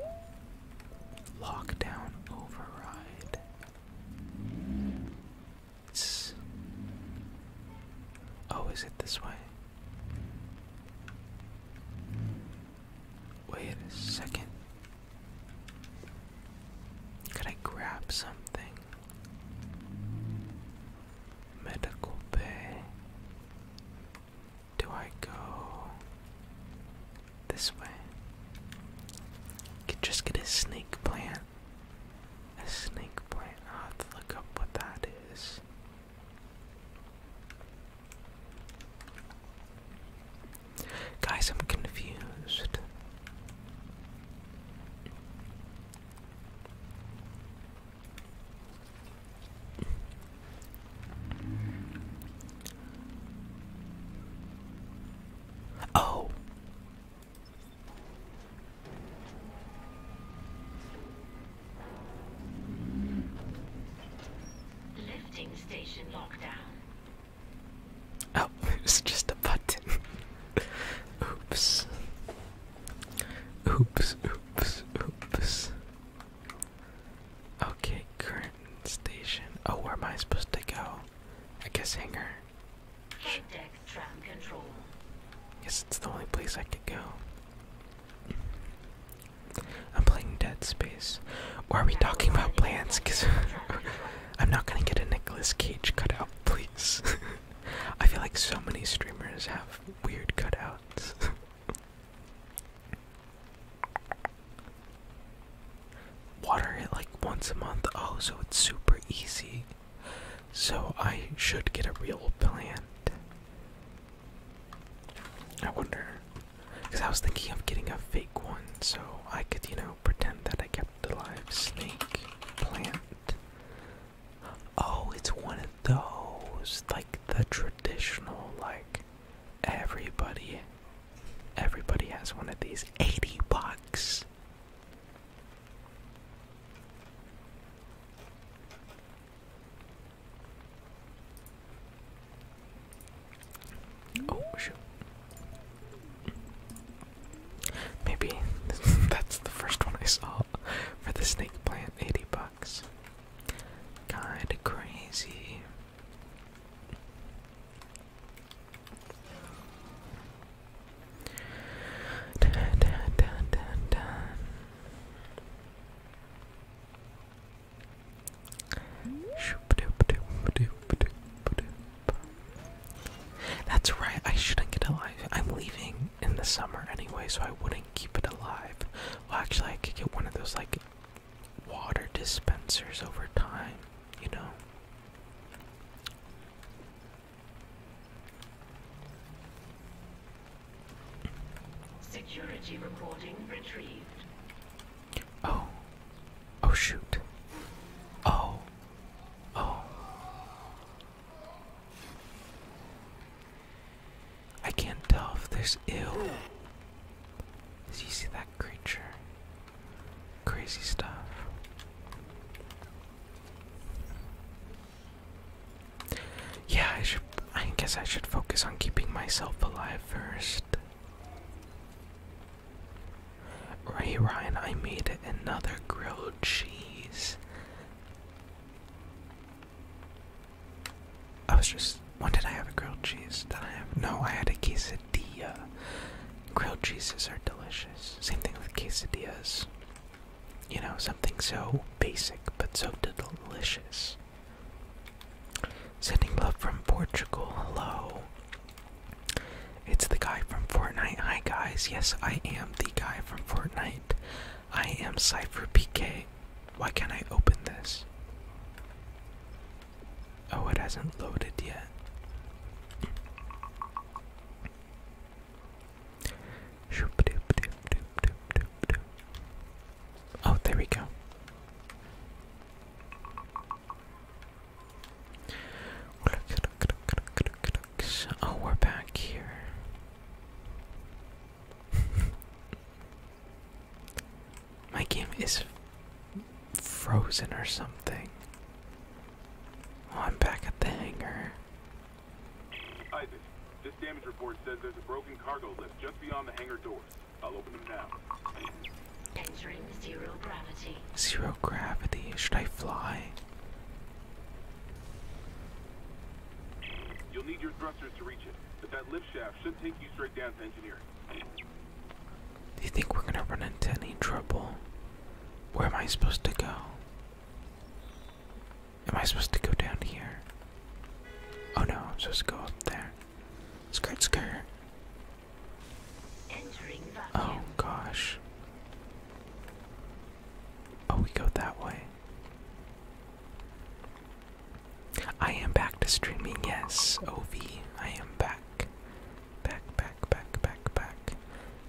Lockdown override. Oh, is it this way? Wait a second. Could I grab something? Medical bay. Do I go this way. Could just get a snake plant. A snake plant. i have to look up what that is. Guys, I'm confused. Oh, Lifting station lockdown. Oh, it's just a button. oops. Oops, oops, oops. Okay, current station. Oh, where am I supposed to go? I guess hangar. Yes, it's the only place I could go. I'm playing Dead Space. are we talking about plants? Cause I'm not gonna get a Nicolas Cage cutout, please. I feel like so many streamers have weird cutouts. water it like once a month. Oh, so it's super easy. So I should get a real plant. I wonder. Because I was thinking of getting a fake one so I could, you know, pretend that I kept the live snake plant. Oh, it's one of those. Like the traditional, like everybody. Everybody has one of these. 80 bucks. Oh shoot. Maybe that's the first one I saw for the snake plant, 80 bucks. Kinda crazy. That's right, I shouldn't get alive. I'm leaving in the summer anyway, so I wouldn't keep it alive. Well, actually, I could get one of those, like, water dispensers over time, you know? Security recording retrieved. Oh. Oh shoot. Oh. Oh. I can't tell if there's ill. Did you see that creature? Crazy stuff. Yeah, I should. I guess I should focus on keeping myself alive first. Right, Ryan, I made another grilled cheese. I was just. When did I have a grilled cheese? That I have. No, I had a quesadilla. Grilled cheeses are delicious. Same thing with quesadillas. You know, something so basic but so delicious. Sending love from Portugal. Hello. It's the guy from Fortnite. Hi, guys. Yes, I am the guy from Fortnite. I am Cypher PK. Why can't I open this? Oh, it hasn't loaded yet. Oh, there we go. Oh, we're back here. My game is frozen or something. Oh, I'm back at the hangar. Isaac, this damage report says there's a broken cargo lift just beyond the hangar doors. I'll open them now. Entering zero gravity. Zero gravity? Should I fly? You'll need your thrusters to reach it, but that lift shaft should take you straight down to engineering. Do you think we're gonna run into any trouble? Where am I supposed to go? Am I supposed to go down here? Oh no, I'm supposed to go up there. Skirt, skirt. Oh gosh. Oh, we go that way. I am back to streaming, yes, OV. I am back. Back, back, back, back, back.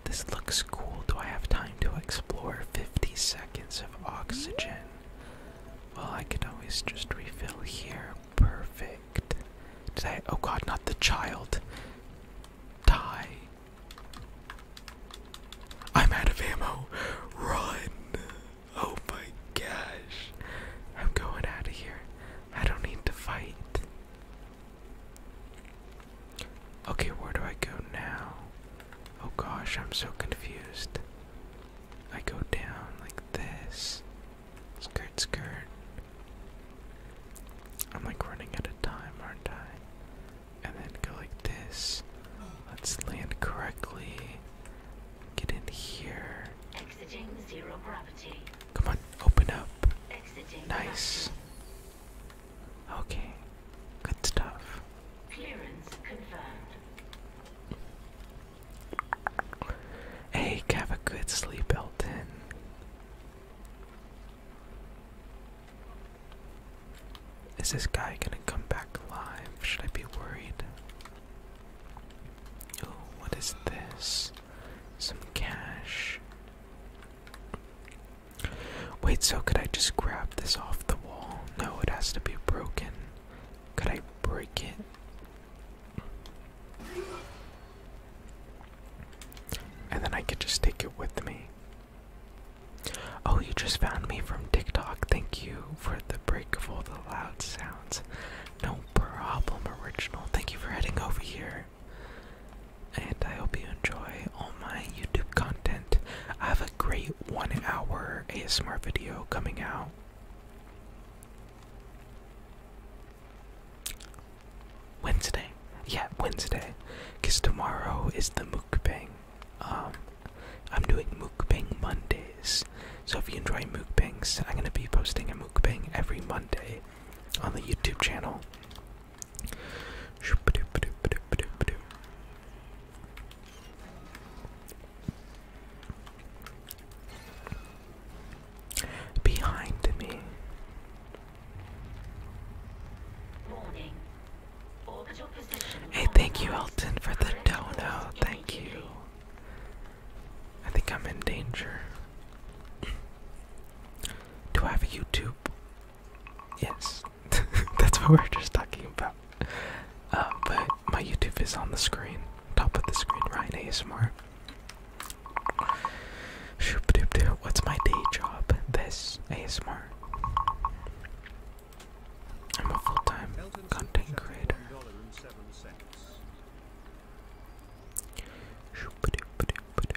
This looks cool. Do I have time to explore 50 seconds of oxygen? Well, I can always just refill here. Perfect. Did Oh god, not the child. Die. I'm out of ammo. Run. Oh my gosh. I'm going out of here. I don't need to fight. Okay, where do I go now? Oh gosh, I'm so confused. I go down like this. Skirt, skirt. I'm like running out of time, aren't I? And then go like this. Let's land correctly. Get in here. Exiting zero gravity. Come on, open up. Exiting nice. Okay, good stuff. Clearance confirmed. Hey, have a good sleep, Elton. Is this guy gonna come back alive? Should I be worried? Oh, what is this? Some cash. Wait, so could I just grab this off the wall? No, it has to be broken. Could I break it? And then I could just take it with me. Oh, you just found me from TikTok. Thank you for the break of all the loud sounds. No problem, original. Thank you for heading over here. And I hope you enjoy all my YouTube content. I have a great one hour ASMR video coming out. Wednesday. Yeah, Wednesday. Because tomorrow is the mukbang. Um, I'm doing mukbang Mondays. So if you enjoy mukbangs, I'm going to be posting a mukbang every Monday on the YouTube channel. Behind me. Hey, thank you, Elton, for the dono. Thank you. I think I'm in danger. Do I have YouTube Yes, that's what we are just talking about. Uh, but my YouTube is on the screen, top of the screen, Ryan ASMR. Shoop doop doop. What's my day job? This ASMR. I'm a full-time content creator. Shoop doop doop doop.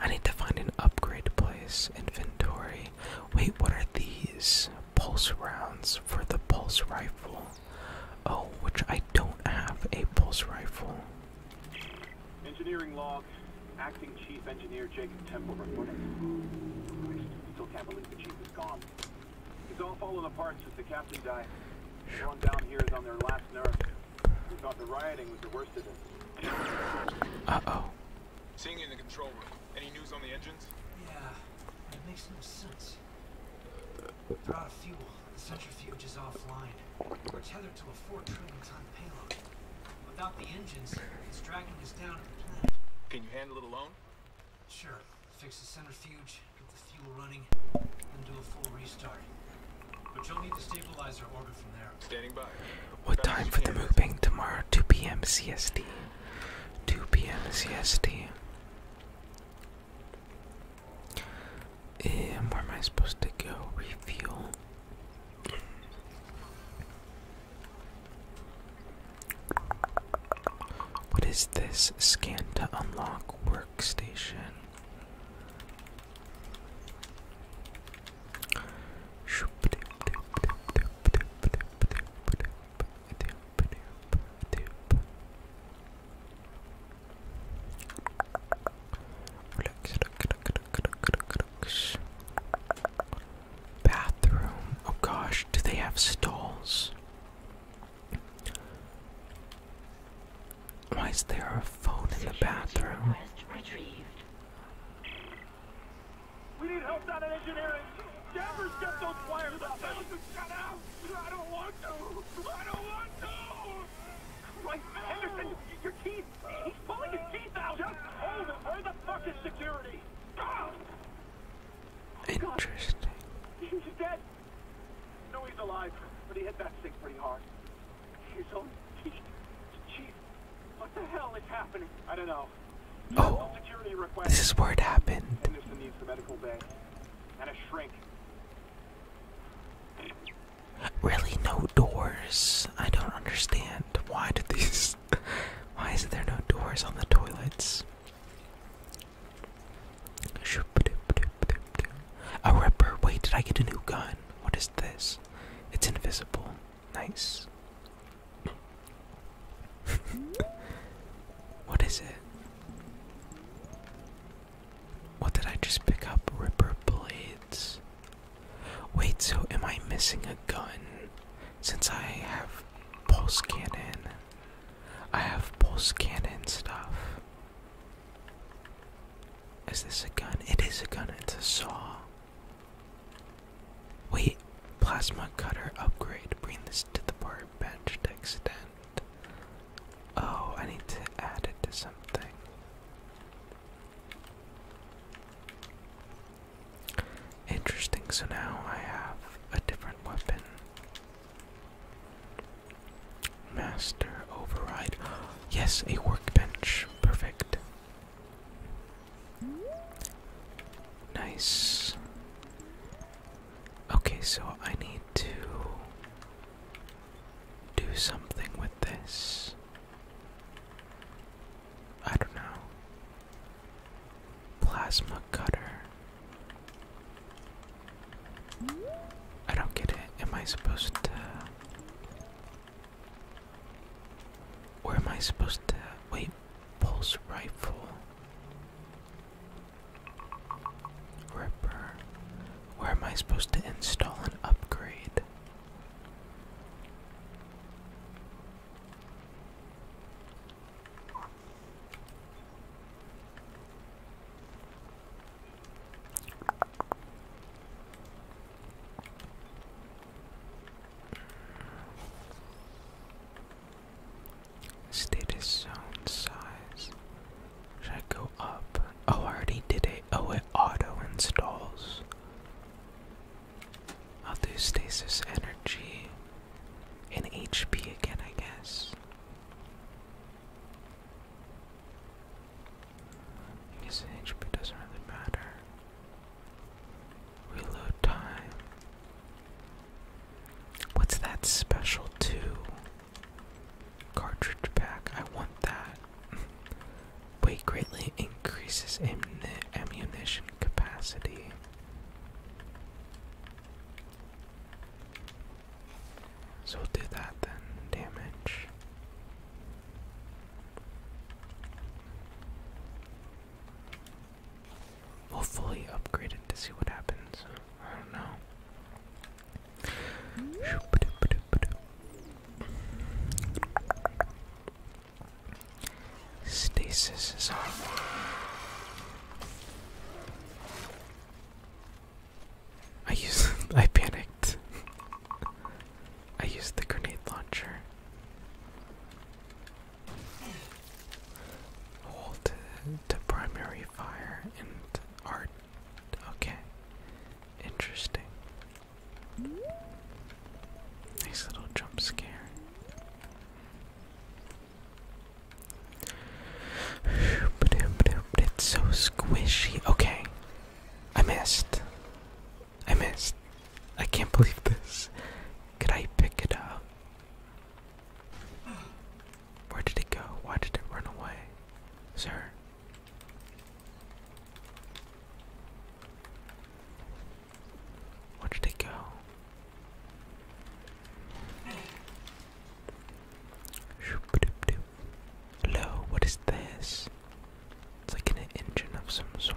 I need to find an upgrade place. Inventory. Wait, what are these? Pulse rounds for the pulse rifle. Oh, which I don't have a pulse rifle. Engineering log. Acting Chief Engineer Jacob Temple reporting. still can't believe the Chief is gone. He's all fallen apart since the captain died. Everyone down here is on their last nerve. Uh oh. Seeing you in the control room. Any news on the engines? Yeah, it makes no sense. They're out of fuel. The centrifuge is offline. We're tethered to a four trillion ton payload. Without the engines, it's dragging us down to the planet. Can you handle it alone? Sure. Fix the centrifuge, get the fuel running, and do a full restart. But you'll need to stabilize your orbit from there. Standing by. What time for the moving tomorrow? 2 p.m. CST. 2 p.m. CST. And where am I supposed to go? Refuel. What is this? Scan to unlock workstation. Relax, relax, relax, relax. Bathroom. Oh gosh, do they have stalls? Why is there a phone in the bathroom? We need help down in engineering. Danvers, get those wires up. Shut up! I don't want to. I don't want to. Henderson, your teeth. He's pulling his teeth out. Just hold him. Where the fuck is security? Interesting. He's dead. No, he's alive, but he hit that stick pretty hard. His own teeth. what the hell is happening? I don't know. Oh, this is where it happened. Henderson needs the Really, no doors. I don't understand. Why did these? Why is there no doors on the toilets? A ripper. Wait, did I get a new gun? What this? It's invisible. Nice. what is it? What did I just pick up? Ripper blades. Wait, so am I missing a gun? Since I have pulse cannon. I have pulse cannon stuff. Is this a gun? It is a gun. It's a saw. Wait, plasma cutter upgrade. Bring this to the bar bench to extend. Oh, I need to add it to something. Interesting, so now I have a different weapon. Master override. yes, a workbench. Perfect. Nice. Okay, so I need to do something with this. I don't know. Plasma cutter. I don't get it. Am I supposed to where am I supposed to wait? Pulse rifle. Ripper. Where am I supposed to install an upgrade? Status zone size. Should I go up? Oh, I already did it. Oh, it auto installs. I'll do stasis energy in HP again, I guess. I guess HP doesn't really matter. Reload time. What's that special two? Cartridge pack. I want that. Weight greatly increases am ammunition capacity. So do that then. Damage. We'll fully upgrade it to see what happens. I don't know. Stasis is on. I used. I panicked. I used the grenade launcher. Hold to, primary fire and art. Okay. Interesting. Nice little jump scare. it's so squishy. Okay. I missed. I missed. I can't believe this. Could I pick it up? Where did it go? Why did it run away? Sir? Where did it go? Hello, what is this? It's like an engine of some sort.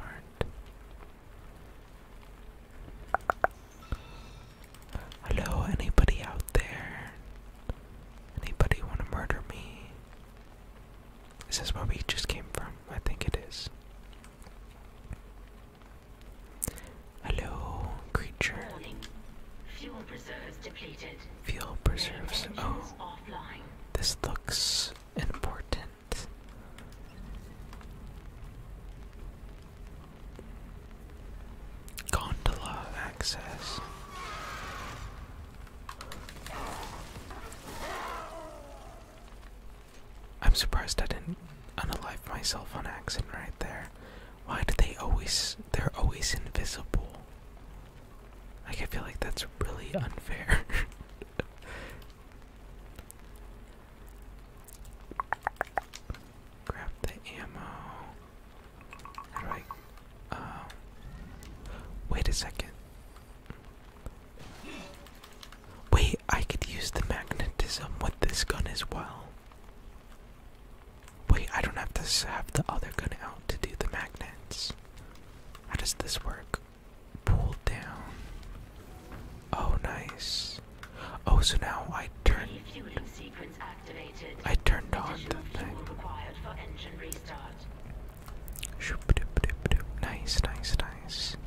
Hello, anybody out there? Anybody want to murder me? Is where we just came from? I think it is. Hello, creature. Fuel reserves depleted. Fuel reserves. Oh, offline. this looks important. Gondola access. I'm surprised I didn't unalive myself on accident right there. Why do they always, they're always invisible? Like, I feel like that's really unfair. Grab the ammo. Um, wait a second. Wait, I could use the magnetism with this gun as well. Wait, I don't have to have the other gun out to do the magnets. How does this work? pulled down. Oh, nice. Oh, so now I turned. I turned on the thing. Nice, nice, nice.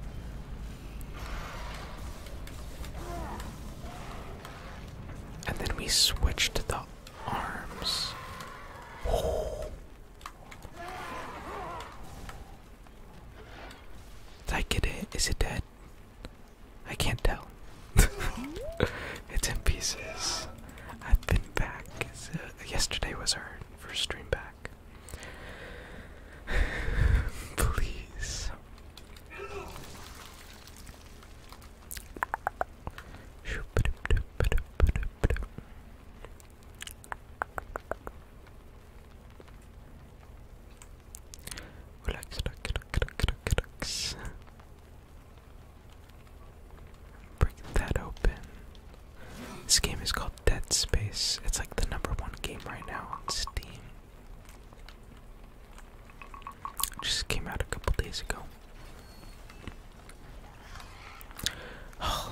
And then we switched the arms. Oh, did I get it? Is it dead? I can't tell. it's in pieces. I've been back. yesterday was our first stream back. Please. Relax, relax, relax, relax, relax. Break that open. This game is called Dead Space. It's like the number one game right now on Steam. just came out a couple days ago.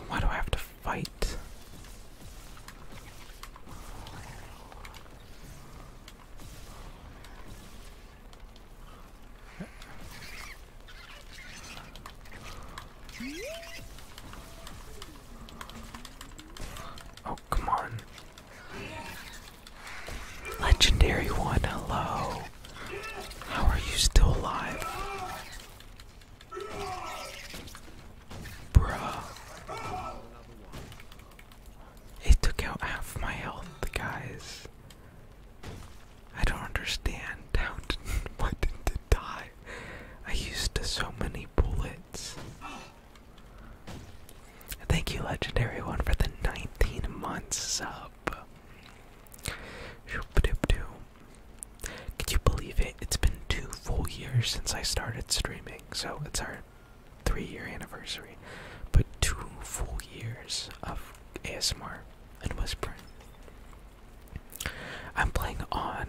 why do I have to fight. Oh, come on. Legendary one, hello. How are you still alive? Bruh. It took out half my health, guys. I don't understand how did, why didn't it die? I used so many bullets. Thank you, Legendary One, for the 19 months sub. Shoop doop doom. Could you believe it? It's been two full years since I started streaming, so it's our three year anniversary. But two full years of ASMR and whispering. I'm playing on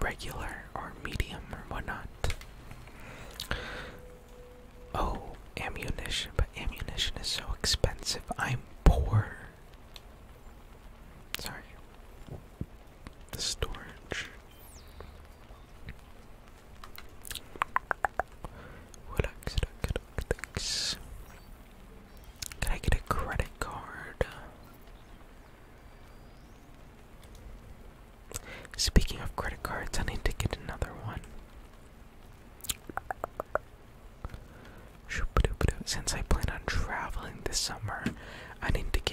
regular or medium or whatnot. Oh, ammunition, but ammunition is so expensive. I'm poor. Sorry the storage. What else I get? Thanks. I get a credit card? Speaking of credit cards, I need to get another one. Since I plan on traveling this summer, I need to get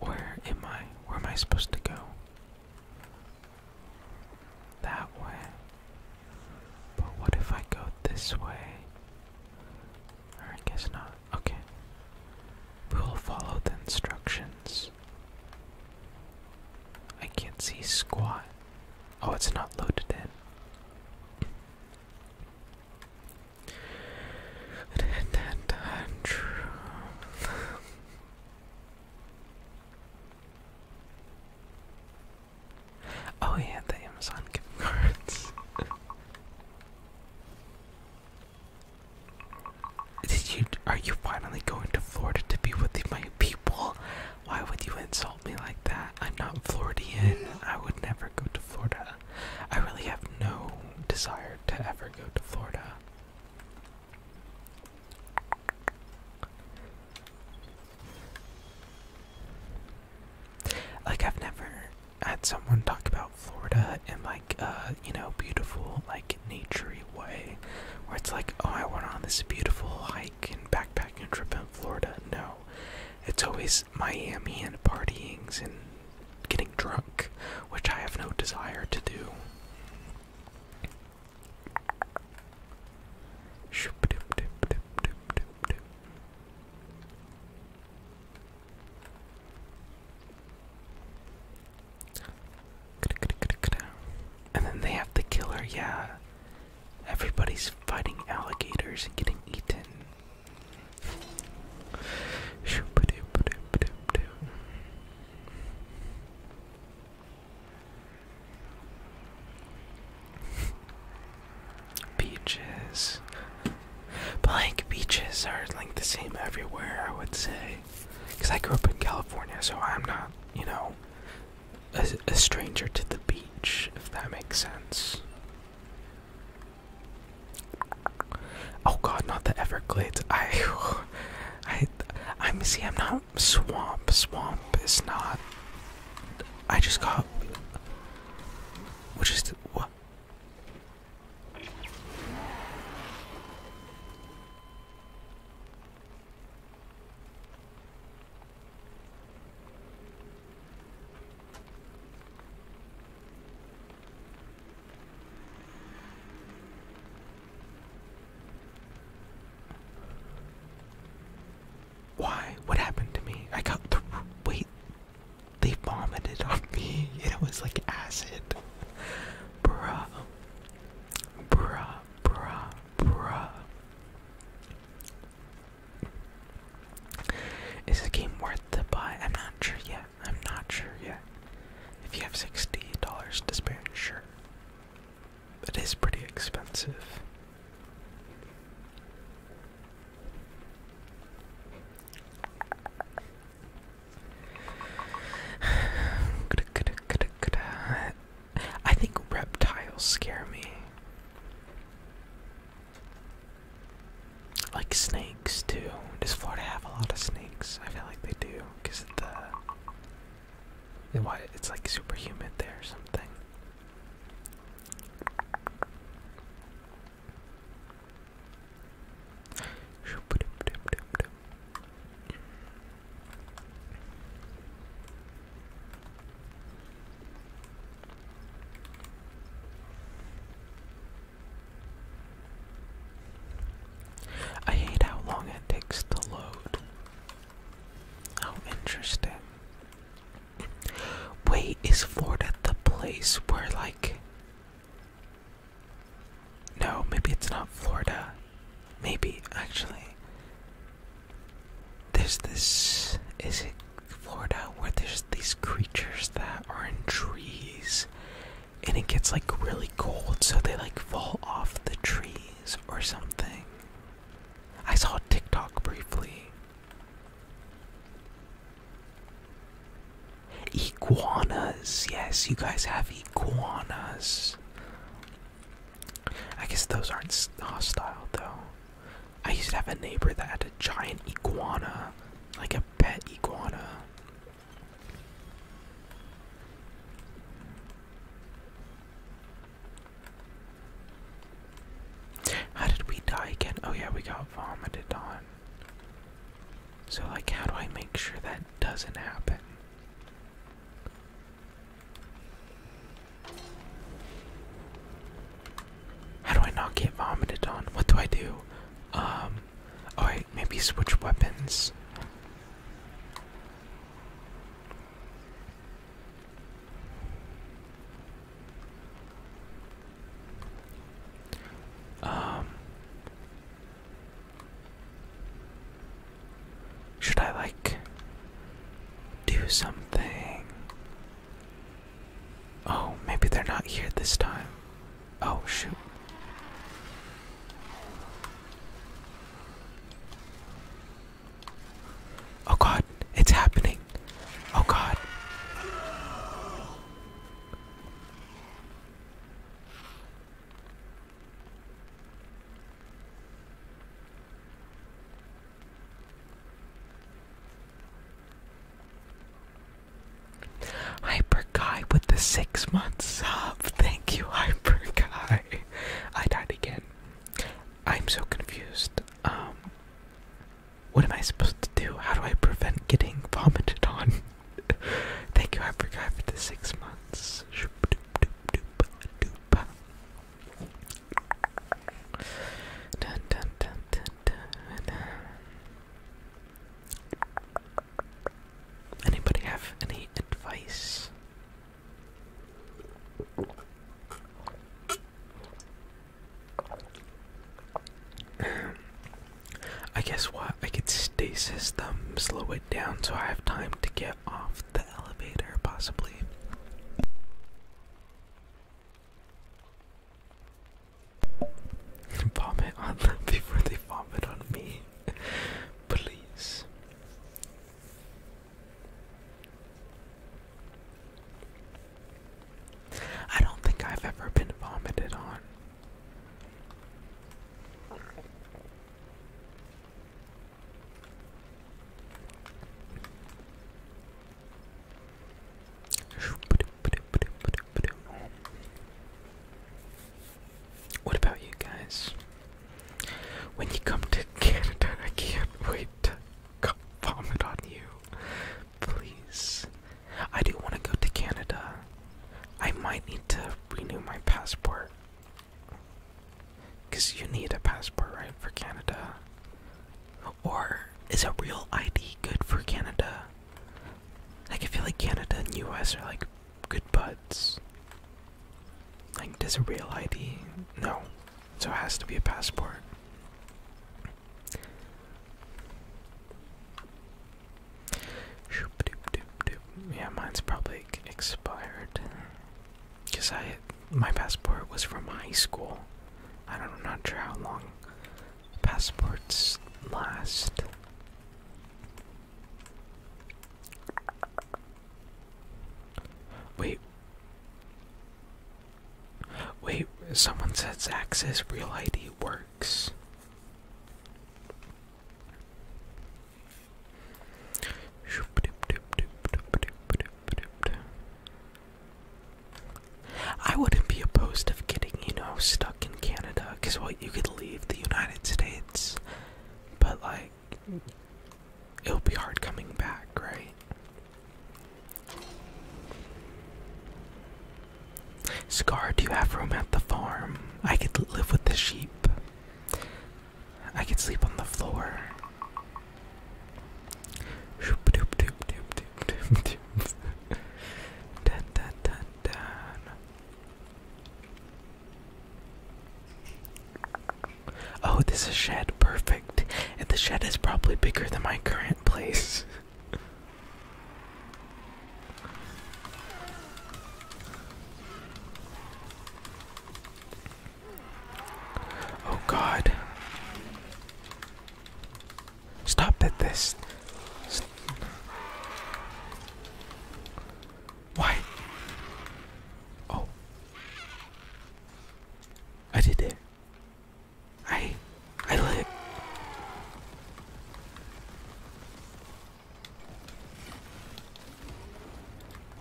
Where am I? Where am I supposed to go? That way. But what if I go this way? I guess not. Okay. We will follow the instructions. I can't see squat. Oh, it's not loaded in. And at oh yeah, the Amazon gift cards. Did you? Are you finally going to Florida to be with my people? Why would you insult me like that? I'm not Floridian. I would never go to Florida. I really have no desire to ever go to Florida. Like I've never had someone talk about Florida in like a you know beautiful like naturey way, where it's like oh I went on this beautiful hike and backpacking trip in Florida. No, it's always is Miami and partyings and getting drunk, which I have no desire to do. And then they have the killer, yeah. Everybody's fighting alligators and getting eaten. Beaches. Blank beaches are like the same everywhere, I would say. Because I grew up in California, so I'm not, you know, a stranger to the beach, if that makes sense. Oh god, not the Everglades. I, I, I'm see. I'm not swamp. Swamp is not. I just got. Which is what? Why? What happened to me? I got the wait. They vomited on me. It was like acid. Bruh. Bruh. Bruh. Bruh. Is the game worth the buy? I'm not sure yet. I'm not sure yet. If you have $60 to spare, sure. It is pretty expensive. I think reptiles scare me. Like snakes too. Does Florida have a lot of snakes? I feel like they do, cause the why it's like super humid there or something. I hate how long it takes to load. How interesting. Wait, is Florida the place where, like. No, maybe it's not Florida. Maybe, actually. There's this. Is it Florida where there's these creatures that are in trees and it gets like really cold so they like fall off the trees or something. I saw TikTok briefly. Iguanas, yes, you guys have iguanas. I guess those aren't hostile though. I used to have a neighbor that had a giant iguana like a pet iguana. How did we die again? Oh, yeah, we got vomited on. So, like, how do I make sure that doesn't happen? How do I not get vomited on? What do I do? Um, alright, maybe switch weapons. Um, should I like do something? Oh, maybe they're not here this time. Oh, shoot. Oh god, it's happening. Oh god. Hyper Guy with the six months sub. Thank you, Hyper Guy. I died again. I'm so confused. Um, what am I supposed to do? How do I prevent getting vomited on? Thank you, Hyper Guy, for the six months. Anybody have any advice? Um, I guess what? I could stasis them, slow it down so I have time to get off the elevator, possibly. Vomit on them before they vomit on me. Please. I don't think I've ever been vomited on. What about you guys? When you come to Canada, I can't wait to come vomit on you. Please. I do want to go to Canada. I might need to renew my passport. Because you need a passport, right, for Canada? Or is a real ID good for Canada? I can feel like Canada and US are like good buds. Like does a real ID? No. So it has to be a passport. Yeah, mine's probably expired. Cause I, my passport was from high school. I don't, i not sure how long Passports last. Wait. Wait, someone says access real ID works. I wouldn't be opposed of getting, you know, stuck Canada, because what you could leave the United States, but like it will be hard coming back, right? Scar, do you have room at the farm? I could live with the sheep. I could sleep on the floor. Oh, this is shed. Perfect. And the shed is probably bigger than my current place. oh, God. Stop at this. Why? Oh. I did it. I I live.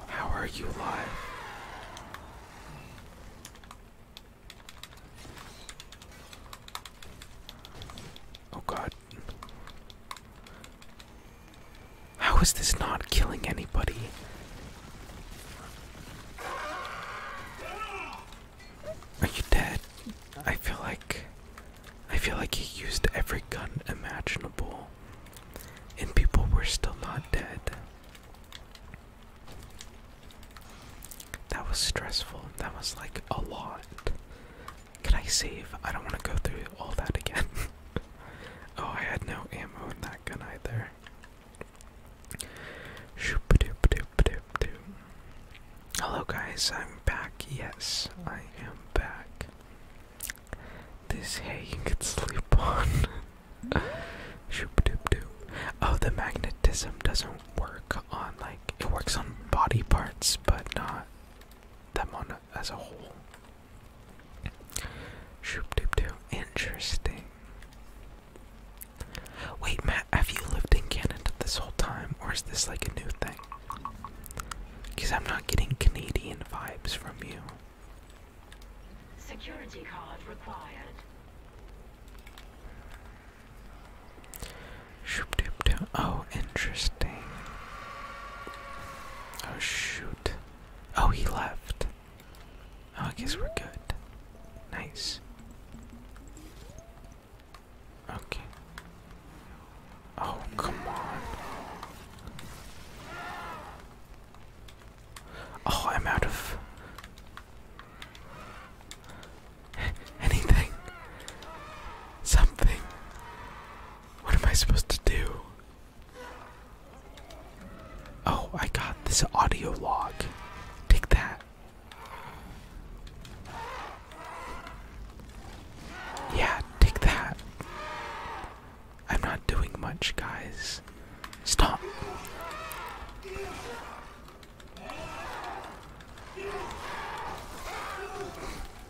How are you alive? Oh god. How is this not killing anybody? Are you dead? I feel like I feel like he used every gun imaginable and people were still not dead. That was stressful. That was like a lot. Can I save? I don't want to go through all that again. oh, I had no ammo in that gun either. Hello, guys. I'm back. Yes, I am back. This hay you can sleep on. oh, the magnetism doesn't work on like it works on body parts, but not them on as a whole. Shoop doop doo. Interesting. Wait, Matt, have you lived in Canada this whole time, or is this like a new thing? Because I'm not getting Canadian vibes from you. Security card required. Oh, interesting. Oh, shoot. Oh, he left. Oh, I guess we're good. Nice. Okay. Oh, come on. Oh, I'm out of. Anything? Something? What am I supposed to do? Oh, I got this audio log. Take that. Yeah, take that. I'm not doing much, guys. Stop.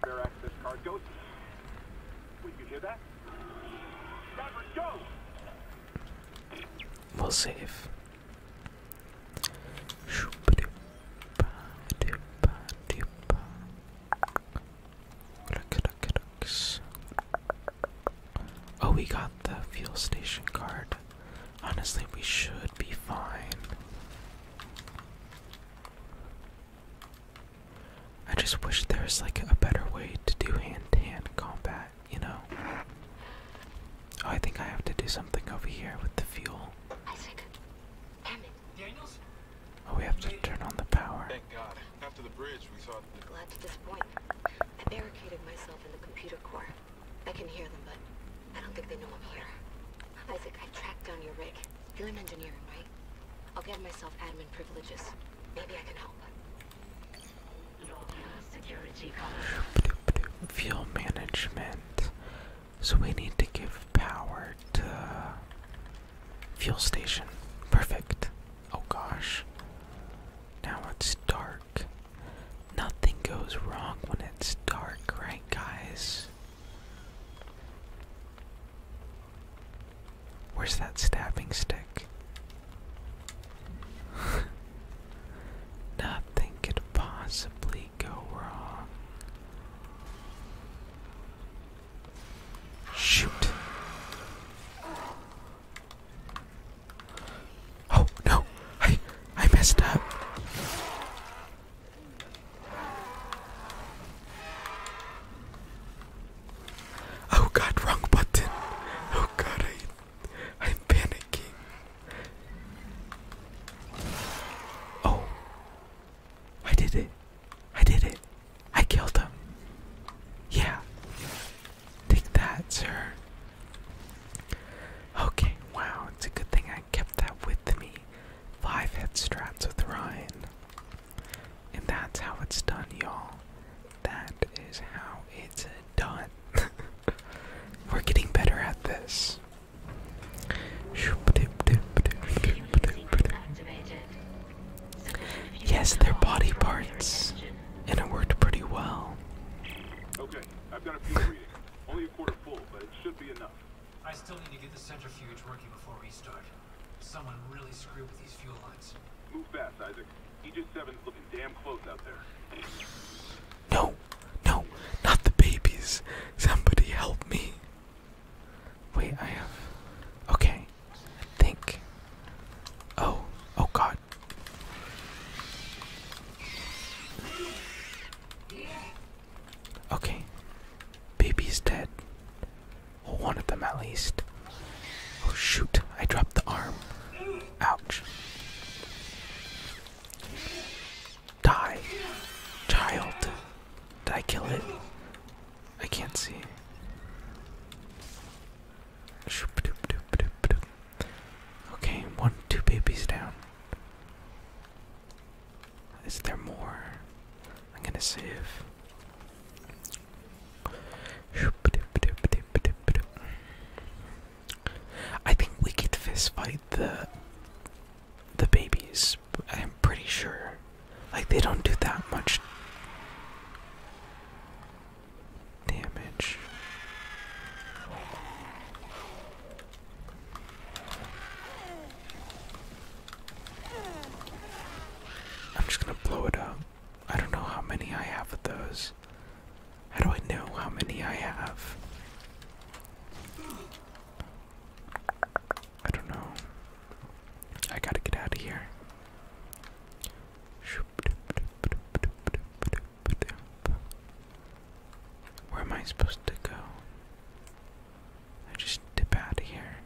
that spare access card. Go. Wait, you hear that? Robert, We'll save. Oh, we got the fuel station card. Honestly, we should be fine. I just wish there's like a better way to do hand to hand combat, you know? Oh, I think I have to do something over here with the fuel. Isaac, damn it. Daniels? Oh, we have to turn on the power. Thank God. After the bridge, we thought. I'm glad to this point, I barricaded myself in the computer core. I can hear them, but I don't think they know I'm here. Isaac, I tracked down your rig. You're in engineering, right? I'll get myself admin privileges. Maybe I can help. Fuel management. So we need to give power to fuel station. Perfect. Oh gosh. Now it's dark. Nothing goes wrong when it's dark, right guys? Where's that stabbing stick? Nothing could possibly go wrong. Shoot. Oh no, I I messed up. Oh god, wrong button. Oh god, I, I'm panicking. Oh, I did it. I did it. I killed him. Yeah. Take that, sir. Okay, wow, it's a good thing I kept that with me. Five head straps with Ryan. And that's how it's done, y'all. That is how it's done. We're getting better at this. Yes, they're body parts, and it worked pretty well. Okay, I've got a few readings. Only a quarter full, but it should be enough. I still need to get the centrifuge working before we start. Someone really screwed with these fuel lines. Move fast, Isaac. EJ7's looking damn close out there. No, no, not the babies. Somebody help me. Wait, I have. Okay, I think. Oh, oh god. Okay. Baby's dead. Well, one of them at least. Oh shoot, I dropped the arm. Ouch. Die. Child. Did I kill it? I can't see. Okay, one, two babies down. Is there more? I'm gonna save. I think we could fist fight the the babies. I'm pretty sure. Like they don't do that much damage. I'm just gonna blow it up. I don't know how many I have of those. How do I know how many I have? I don't know. I gotta get out of here. Where am I supposed to go? I just dip out of here.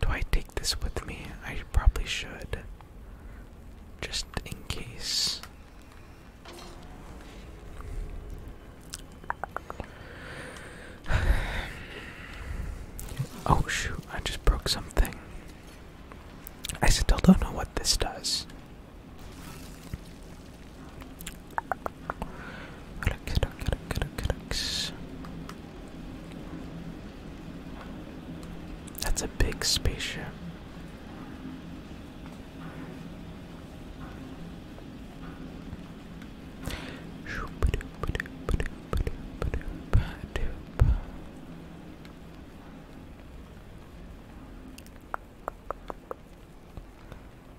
Do I take this with me? I probably should. Just in case. oh shoot, I just broke something. I still don't know what this does. That's a big spaceship.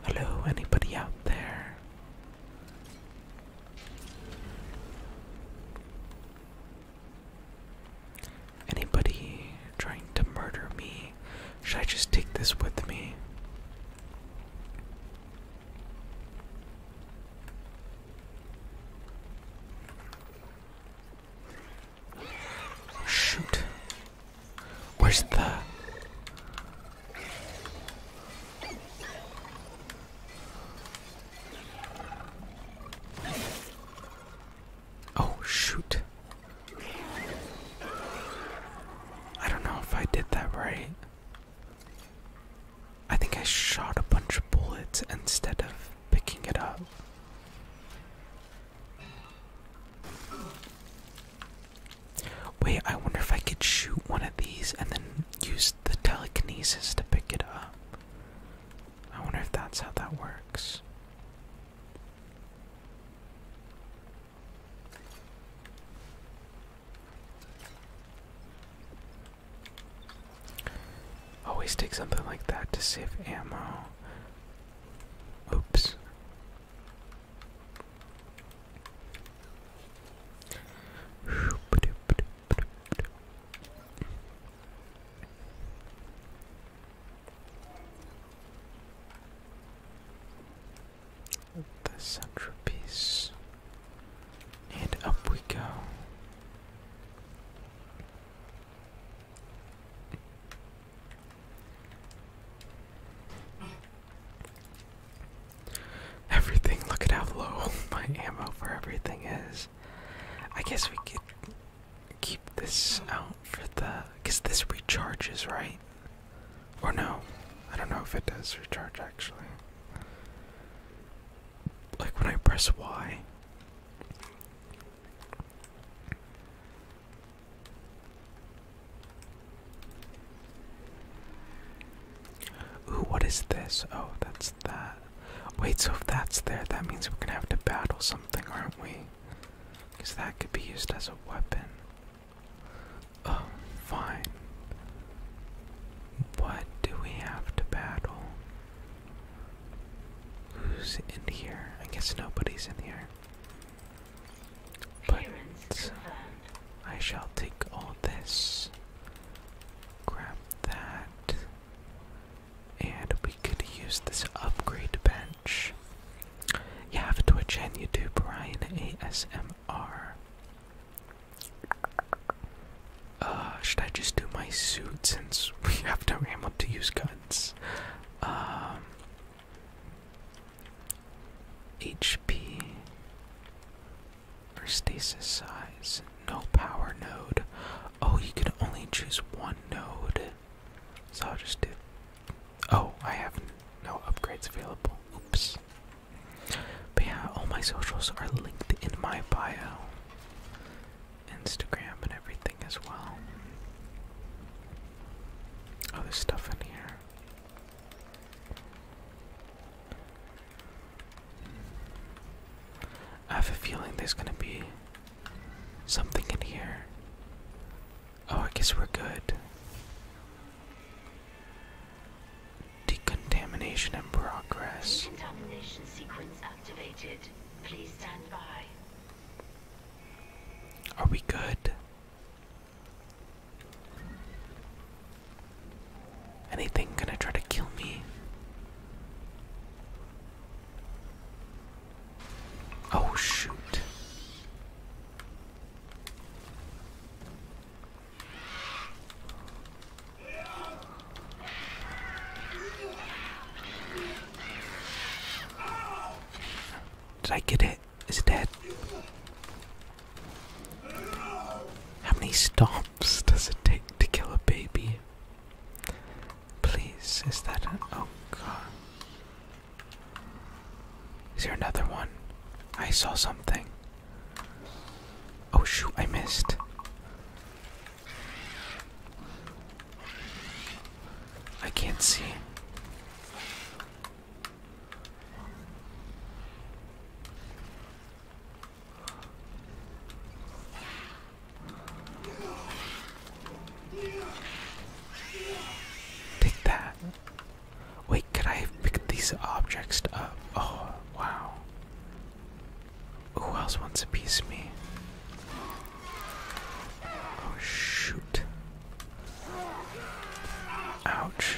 Hello, anybody out there? Anybody trying to murder me? Should I just take this with me? Shoot. Where's the Oh, shoot. I don't know if I did that right. I think I shot a bunch of bullets instead of picking it up. Wait, I wonder if I could shoot one of these and then use the telekinesis to pick it up. I wonder if that's how that works. Always take something like that to save ammo. Oops. The centerpiece, and up we go. Everything, look at how low my ammo for everything is. I guess we could keep this out for the. Because this recharges, right? Or no? I don't know if it does recharge actually. Like when I press Y. Ooh, what is this? Oh, that's that. Wait, so if that's there, that means we're gonna have to battle something, aren't we? Because that could be used as a weapon. Oh, fine. What do we have to battle? Who's in here? I guess nobody's in here. But I shall take all this. Grab that. And we could use this upgrade bench. You have Twitch and YouTube, Ryan ASMR. Uh, should I just do my suit since we have no ammo to use guns? Um, HP. For stasis size, no power node. Oh, you can only choose one node. So I'll just do. Oh, I have no upgrades available. Oops. But yeah, all my socials are linked in my bio. Instagram and everything as well. Oh, there's stuff in here. I have a feeling there's gonna be something in here. Oh, I guess we're good. Decontamination in progress. Decontamination sequence activated. Please stand by. Are we good? Anything gonna try to kill me? Oh, shoot. Did I get it? Is it dead? How many stomps? drops does it take to kill a baby? Please, is that an. Oh god. Is there another one? I saw something. Oh shoot, I missed. I can't see. Take that. Wait, could I pick these objects up? Uh, oh, wow. Who else wants a piece of me? Oh, shoot. Ouch.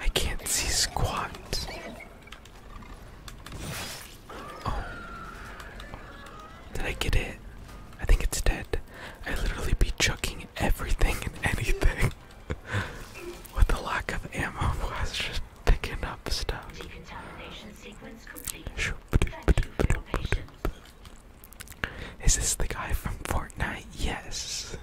I can't see squat. Oh. Did I get it? I think it's dead. I literally be chucking everything and anything. With the lack of ammo, I was just picking up stuff. Is this the guy from Fortnite? Yes.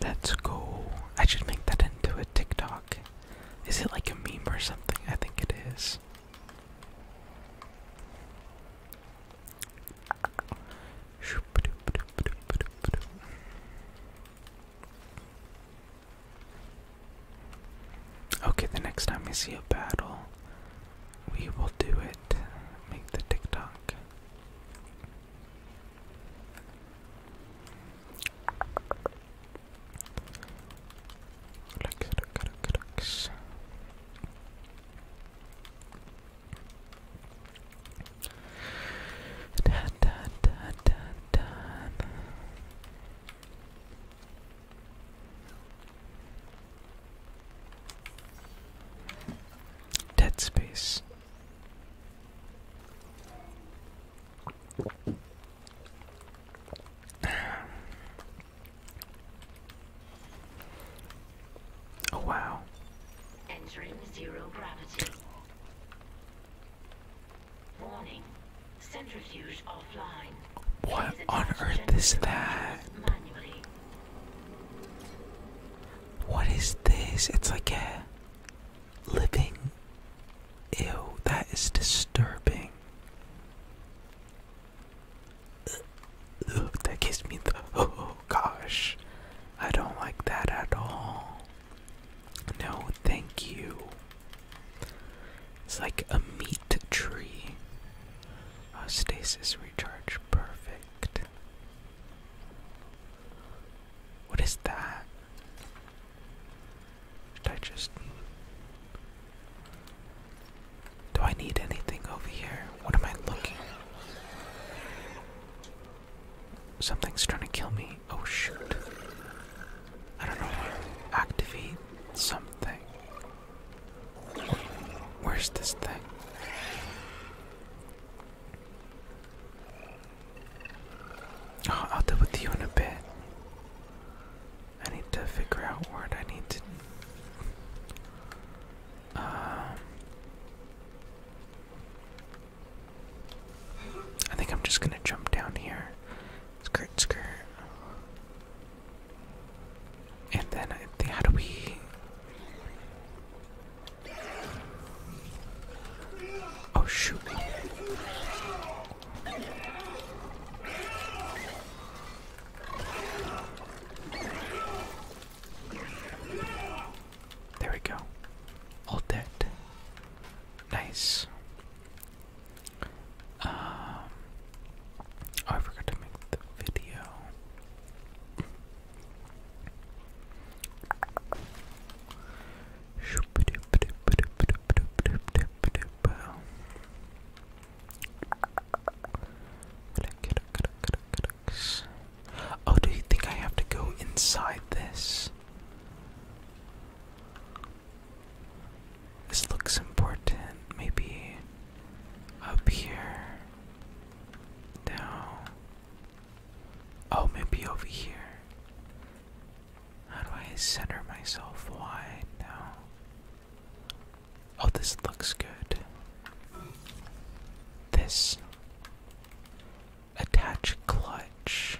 Let's go. I should make that into a TikTok. Is it like a meme or something? I think it is. Okay, the next time we see a battle, we will do it. Make the TikTok. Da, da, da, da, da. Dead Space. Oh wow. Entering zero gravity. Warning. Centrifuge offline. What on earth is that? What is this? It's like a living. Ew, that is disturbing. that gives me the. Oh gosh. I don't like that at all. No, thank you. It's like a meat tree. Oh, stasis recharge, perfect. What is that? Should I just. Do I need anything over here? What am I looking? Something's trying to kill me. Oh shoot. I don't know activate something. Where's this thing? Oh, I'll deal with you in a bit. I need to figure out what I need to. Um, I think I'm just gonna jump down here. Skirt, skirt. And then I think how do Oh shoot There we go. All dead. Nice. Um, I forgot to make the video. Oh, do you think I have to go inside this? This looks important. Maybe up here. Down. Oh, maybe over here. How do I center myself wide now? Oh, this looks good. This. Attach clutch.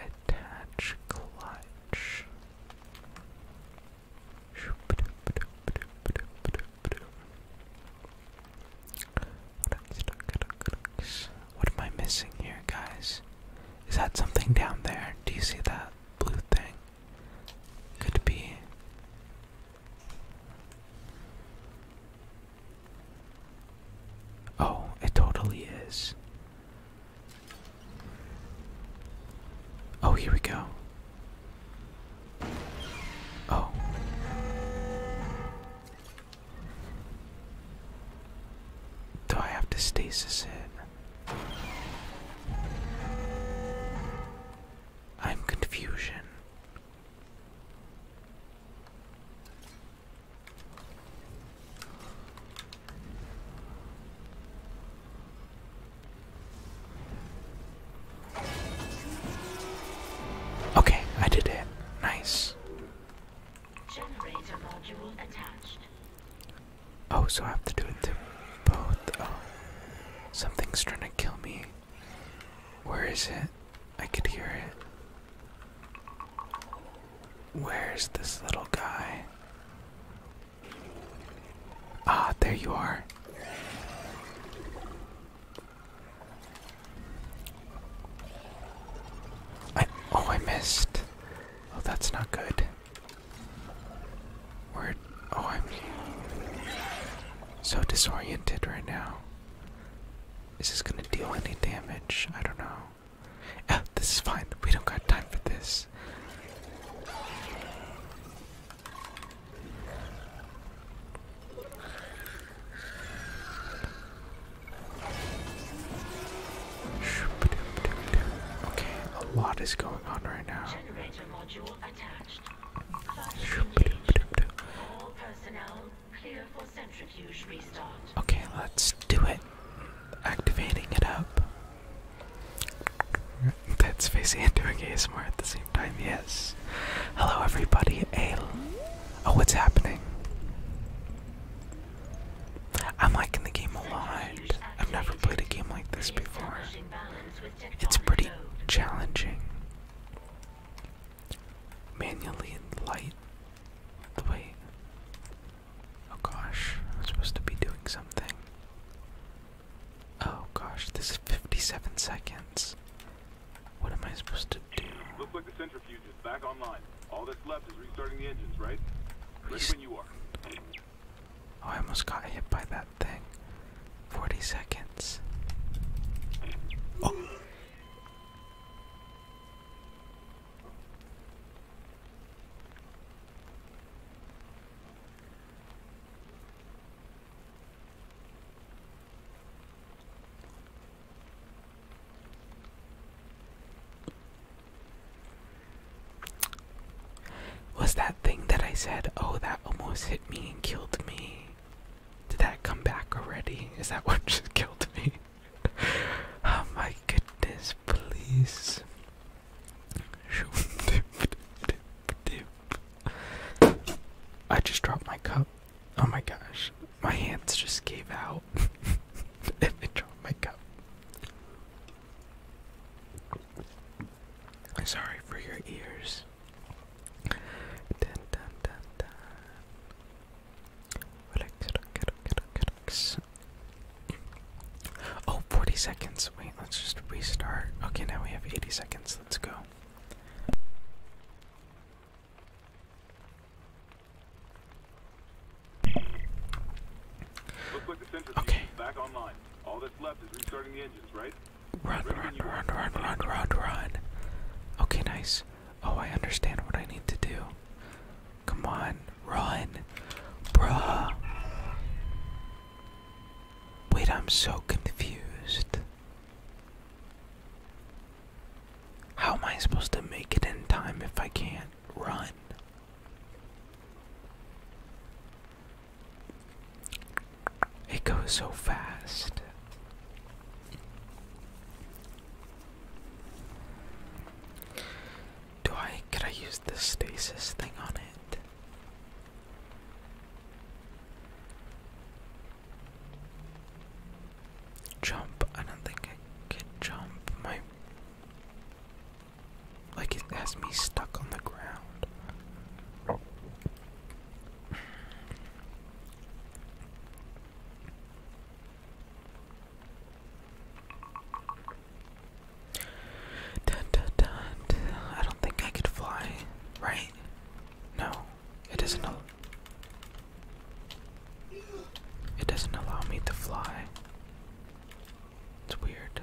Attach clutch. What am I missing here, guys? Is that something down there? Do you see that blue thing? Could be. Oh, it totally is. Oh, here we go. Oh. Do I have to stasis it? I'm confusion. Okay, I did it. Nice. Generator module attached. Oh, so I have to do it too both. Oh, something's trying to kill me. Where is it? I could hear it. Where's this little guy? Ah, there you are. I oh I missed. Oh, that's not good. Where? Oh, I'm so disoriented right now. Is this gonna deal any damage? I don't know. Uh, this is fine. We don't got time for this. Okay, a lot is going on right now. Okay, let's do it. Activating it up. That's facing and doing ASMR at the same time, yes. Hello everybody, Ale. Oh, what's happening? I'm liking the game a lot. I've never played a game like this before it's pretty challenging. Manually and light the way. Oh gosh, I'm supposed to be doing something. Oh gosh, this is 57 seconds. What am I supposed to do? Looks like the centrifuge is back online. All that's left is restarting the engines, right? Ready when you are. Oh, I almost got hit by that thing. 40 seconds. Oh. that thing that I said, oh, that almost hit me and killed me. Did that come back already? Is that what just killed me? oh my goodness, please. I just dropped my cup. Oh my gosh, my hands just gave out. I dropped my cup. sorry for your ears. Dun, dun, dun, dun. Relax, relax, relax, Oh, 40 seconds. Wait, let's just restart. Okay, now we have 80 seconds. Let's go. okay. Run, run, run, run, run, run, run. Okay, nice. Oh, I understand what I need to do. Come on, run. Bruh. Wait, I'm so confused. How am I supposed to make it in time if I can't run? It goes so fast. Do I could I use the stasis thing on it? Jump, I don't think I could jump. My like it has me stuck on the ground. Dun, dun, dun, I don't think I could fly, right? No, it doesn't. it doesn't allow me to fly. It's weird.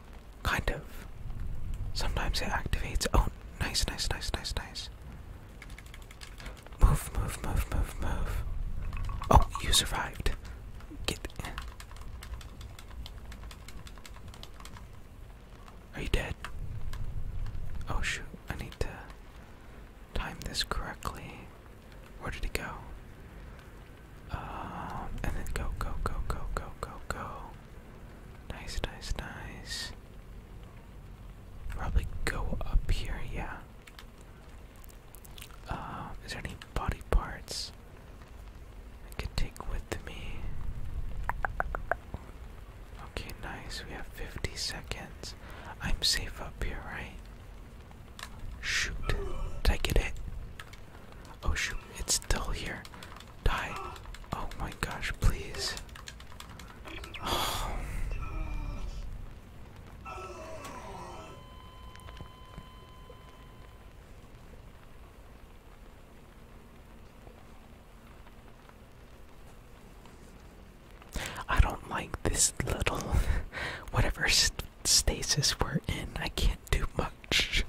Kind of. Sometimes it activates. Oh, nice, nice, nice, nice, nice. Move, move, move, move, move. Oh, you survived. Get. Are you dead? Oh shoot, I need to time this correctly. Where did he go? Um, and then go, go, go, go, go, go, go. Nice, nice, nice. Probably go up here, yeah. Uh, is there any body parts I can take with me? Okay, nice. We have 50 seconds. I'm safe up here, right? Shoot. Did I get it? Oh, shoot. It's still here. Die. Oh my gosh, please. Oh. I don't like this little whatever stasis we're in. I can't do much.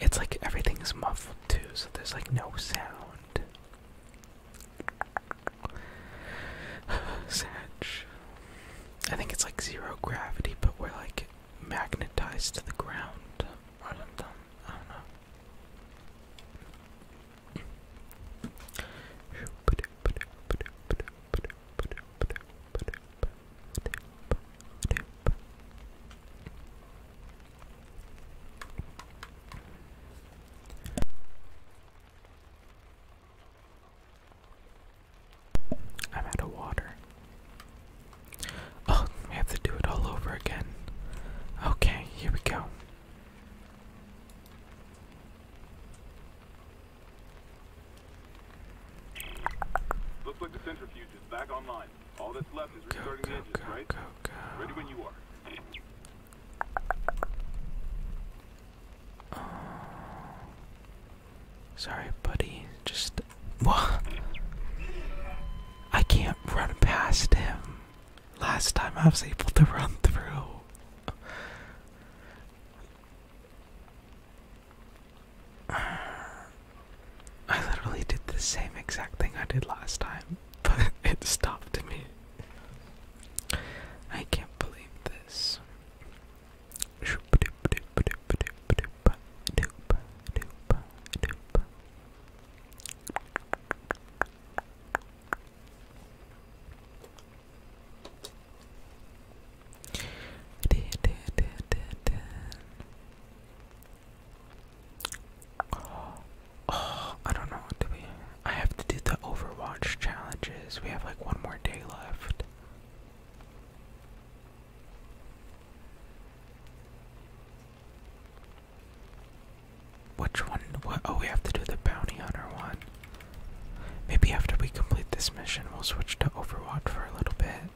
It's like everything's muffled too, so there's like no sound. Satch. I think it's like zero gravity, but we're like magnetized to the ground I don't know. I'm out of water. Oh, we have to do it all over again. Okay, here we go. Looks like the centrifuge is back online. All that's left is go, restarting go, the engines, go, right? Ready when you are. Oh. Sorry, buddy. Just what? I can't run past him. Last time I was able to run through. I literally did the same exact thing I did last time, but it stopped me. I can't believe this. I don't know. Do we? I have to do the Overwatch challenges. We have like one more day left. Which one? What? Oh, we have to do the bounty hunter one. Maybe after we complete this mission, we'll switch to Overwatch for a little bit.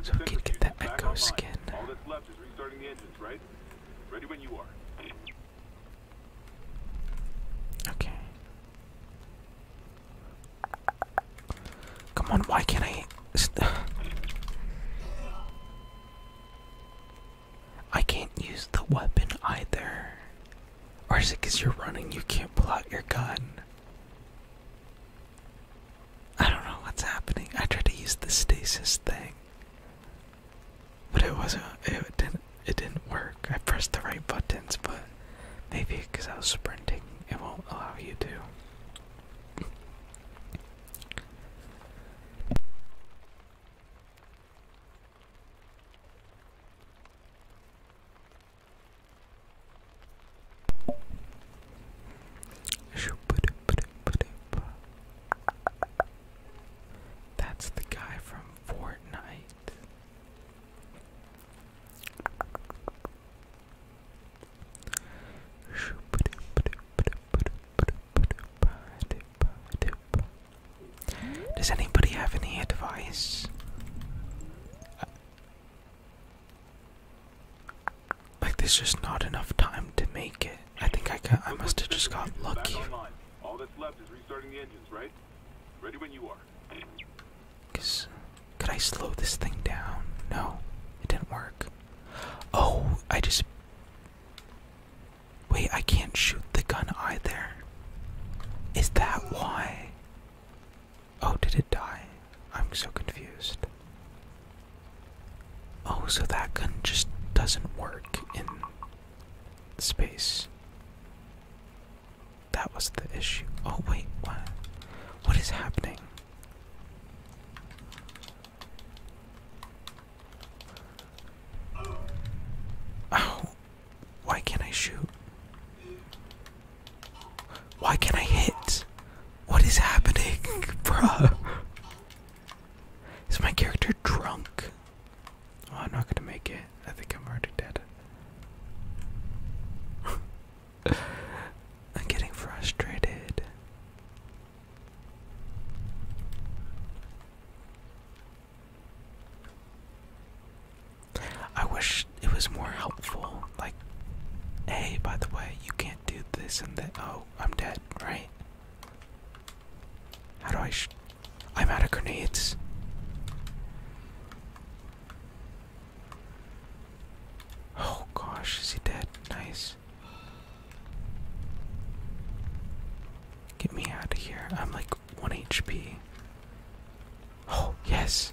So we can get that echo skin. All that's left is restarting the engines, right? Ready when you are. Okay. Come on, why can't I? I can't use the weapon either. Or is it you're running, you can't pull out your gun? I don't know what's happening. I tried to use the stasis thing, but it wasn't. It didn't. It didn't work. I pressed the right buttons, but maybe because I was sprinting, it won't allow you to. That's the guy from Fortnite. Does anybody have any advice like there's just not enough time to make it. I think I got I must have just got lucky. All that's left is restarting the engines, right? Ready when you are. Cause could I slow this thing down? No, it didn't work. Oh, I just Wait, I can't shoot the gun either. Is that why? Oh, did it die? I'm so confused. Oh, so that gun just doesn't work in space. That was the issue. Oh, wait, what? What is happening? Oh, why can't I shoot? Why can't I hit? What is happening, bruh? Is my character drunk? Oh, I'm not gonna make it. I think I'm already dead. I'm getting frustrated. I wish it was more helpful. Like, hey, by the way, you can't do this and that. Oh, I'm dead, right? How do I. Sh I'm out of grenades. Oh gosh, is he dead? Nice. Get me out of here. I'm like 1 HP. Oh, yes!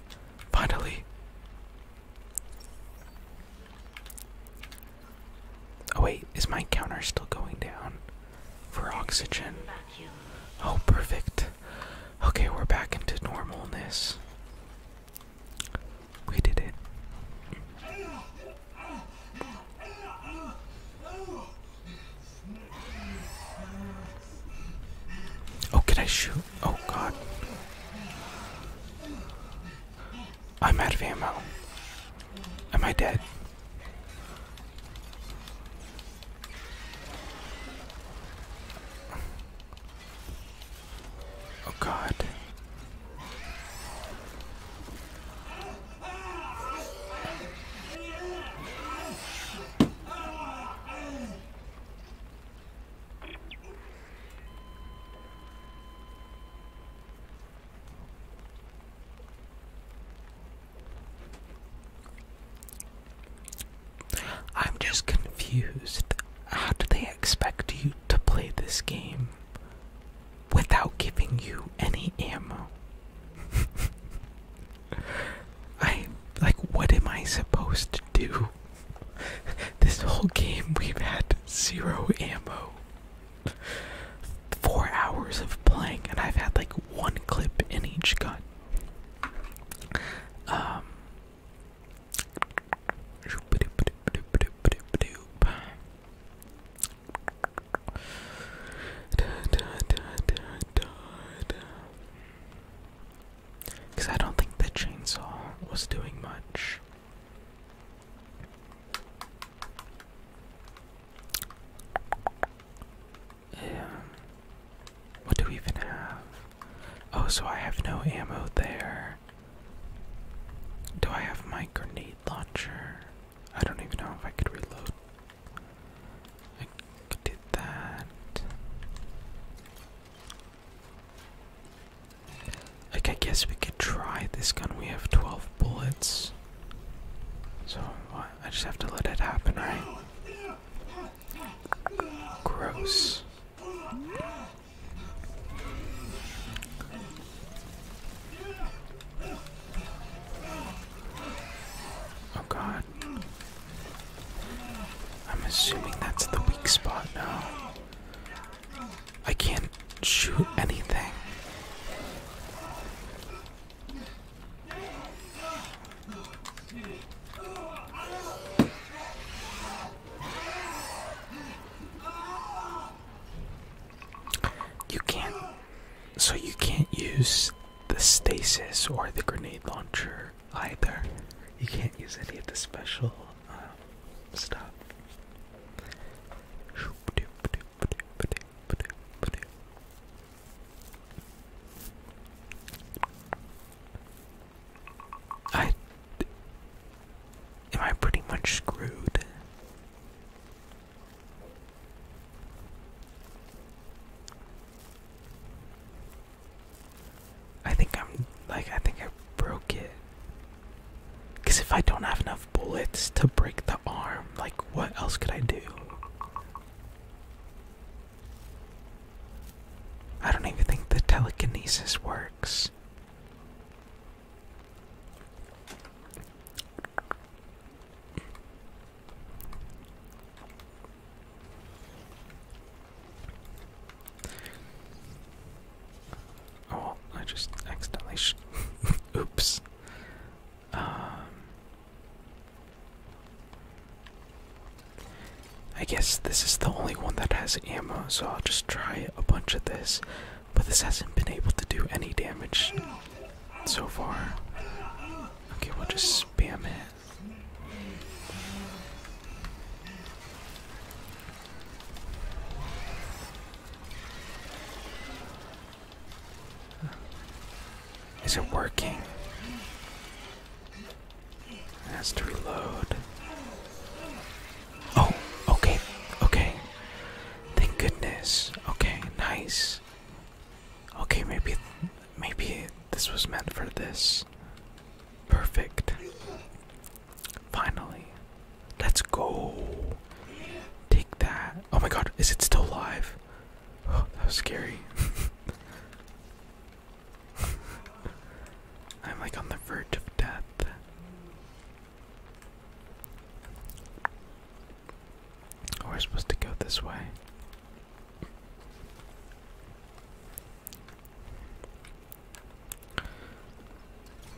Finally! Oh, wait, is my counter still going down for oxygen? Oh, perfect. Okay, we're back into normalness. We did it. Oh, can I shoot? Oh, God. I'm out of ammo. Am I dead? Oh, God. I'm just confused. How do they expect you to play this game without giving you any ammo? I like what am I supposed to do? This whole game we've had zero ammo. Four hours of playing and I've had like one clip in each gun. Um, because I don't think the chainsaw was doing much. What do we even have? Oh, so I have no ammo there. Do I have my grenade launcher? I don't even know if I could reload. did that. Like, I guess we could try this gun. We have 12 bullets. So, uh, I just have to let it happen, right? Gross. Oh god. I'm assuming that's the weak spot now. I can't shoot anything. You can't. So you can't use the stasis or the grenade launcher either. You can't use any of the special um, stuff. I am I pretty much screwed. I think I'm like I think I broke it. Cause if I don't have enough bullets to break the arm, like what else could I do? I don't even think the telekinesis works. Oh, I just accidentally. Oops. Um, I guess this is the only one that has ammo, so I'll just try a bunch of this. But this hasn't been able to do any damage so far. Okay, we'll just spam it. Is it working? It has to reload. Oh, okay, okay. Thank goodness. Okay, nice. Okay, maybe, maybe this was meant for this. Perfect. Finally. Let's go. Take that. Oh my god, is it still live? Oh, that was scary. I'm like on the verge of death. Oh, we're supposed to go this way.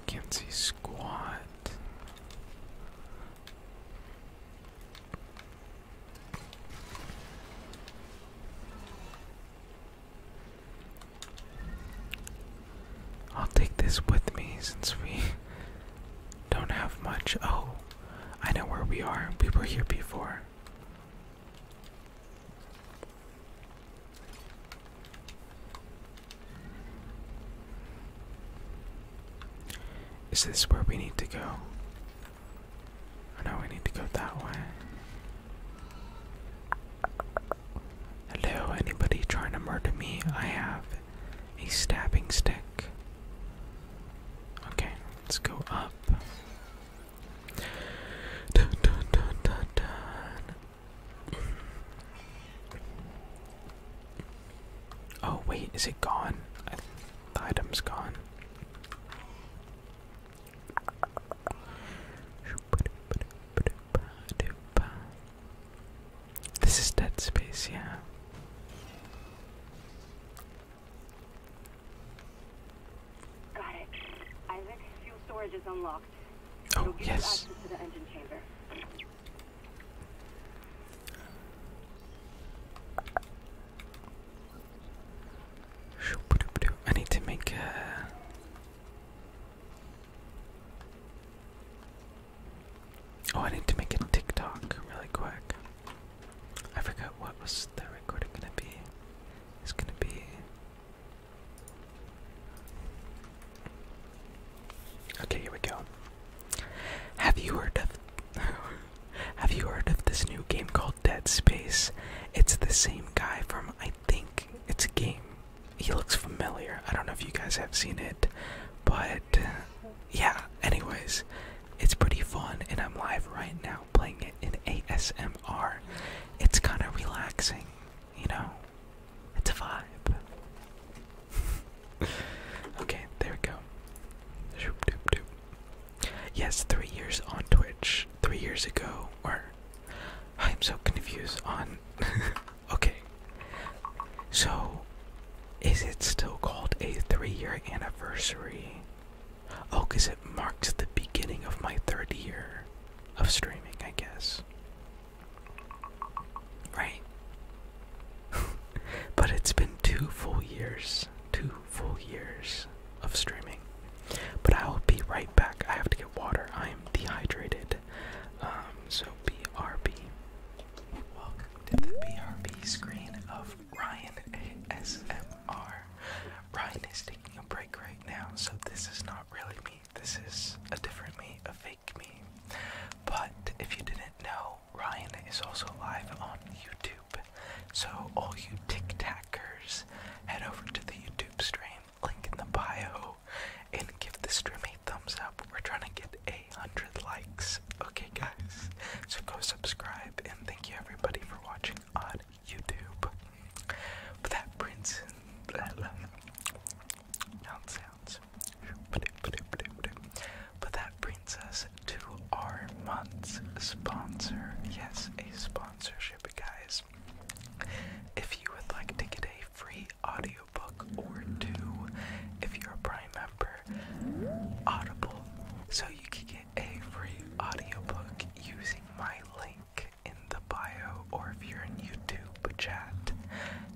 Can't I'll take this with me since we don't have much. Oh, I know where we are. We were here before. Is this where we need to go? Oh no, we need to go that way. Hello, anybody trying to murder me? I have a stabbing stick. Okay, let's go up. Oh, wait, is it gone? the item's gone. This is Dead Space, yeah. Got it. Isaac, fuel storage is unlocked. Oh, will give yes. You to the engine chamber. I need to make Oh, I need to make a TikTok really quick. I forgot what was the recorder gonna be. It's gonna be Okay, here we go. Have you heard of Have you heard of this new game called Dead Space? It's the same guy from I think it's a game. He looks familiar. I don't know if you guys have seen it, but yeah, anyways, it's pretty fun and I'm live right now playing it in ASMR. It's kind of relaxing you know, it's a vibe. okay, there we go. Yes, three years on Twitch. Three years ago, or I'm so confused on. okay, so is it still called a three-year anniversary? Oh, cause it marked the beginning of my third year of streaming, I guess. Right? but it's been two full years, two full years of streaming. But I will be right back. I have to get water. I am dehydrated. Um, so BRB. Welcome to the BRB screen of Ryan ASMR. Ryan is taking a break right now, so this is not really me this is a different me, a fake me. But if you didn't know, Ryan is also live on YouTube. So all you tic tackers, head over to the YouTube stream, link in the bio, and give the stream a thumbs up. We're trying to get a hundred likes. Okay guys. So go subscribe and thank you everybody for watching on YouTube. But that Prince But that brings us to our month's sponsor. Yes, a sponsorship, guys. If you would like to get a free audiobook or two, if you're a Prime member, Audible. So you can get a free audiobook using my link in the bio or if you're in YouTube chat,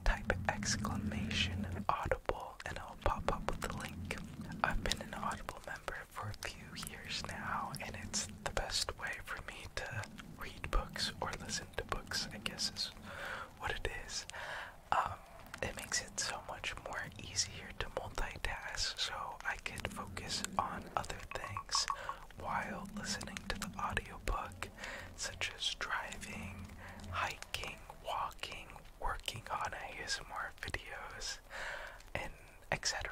type exclamation audible and it'll pop up with the link. I've been an audible member for a few years now and it's the best way for me to read books or listen to books, I guess is what it is. Um, it makes it so much more easier to multitask so I can focus on other things while listening to the audiobook, such as driving, hiking, walking, working on ASMR videos, and etc.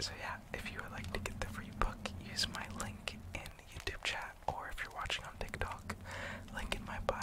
So yeah, if you would like to get the free book, use my link in YouTube chat or if you're watching on TikTok, link in my bio.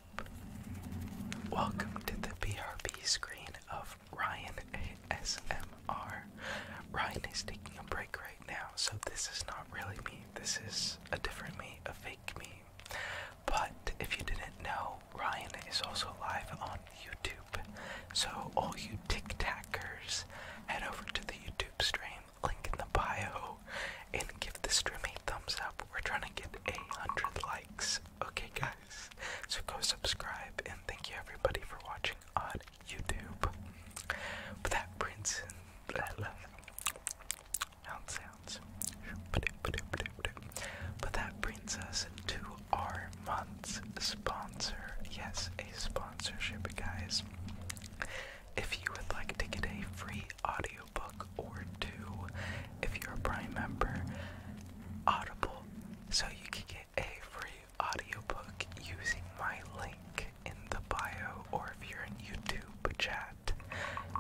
Welcome to the BRB screen of Ryan ASMR. Ryan is taking a break right now, so this is not really me. This is a different me, a fake me. But if you didn't know, Ryan is also live on YouTube. So, all you tic tackers, head over to the YouTube stream, link in the bio, and give the stream a thumbs up. We're trying to get a hundred likes Okay, guys, so go subscribe and thank you everybody for watching on YouTube. But that brings that love sounds. But that brings us to our month's sponsor. Yes, a sponsorship, guys. If you would like to get a free audiobook or two, if you're a Prime member, Audible, so you can get a free audiobook using my link in the bio, or if you're in YouTube chat,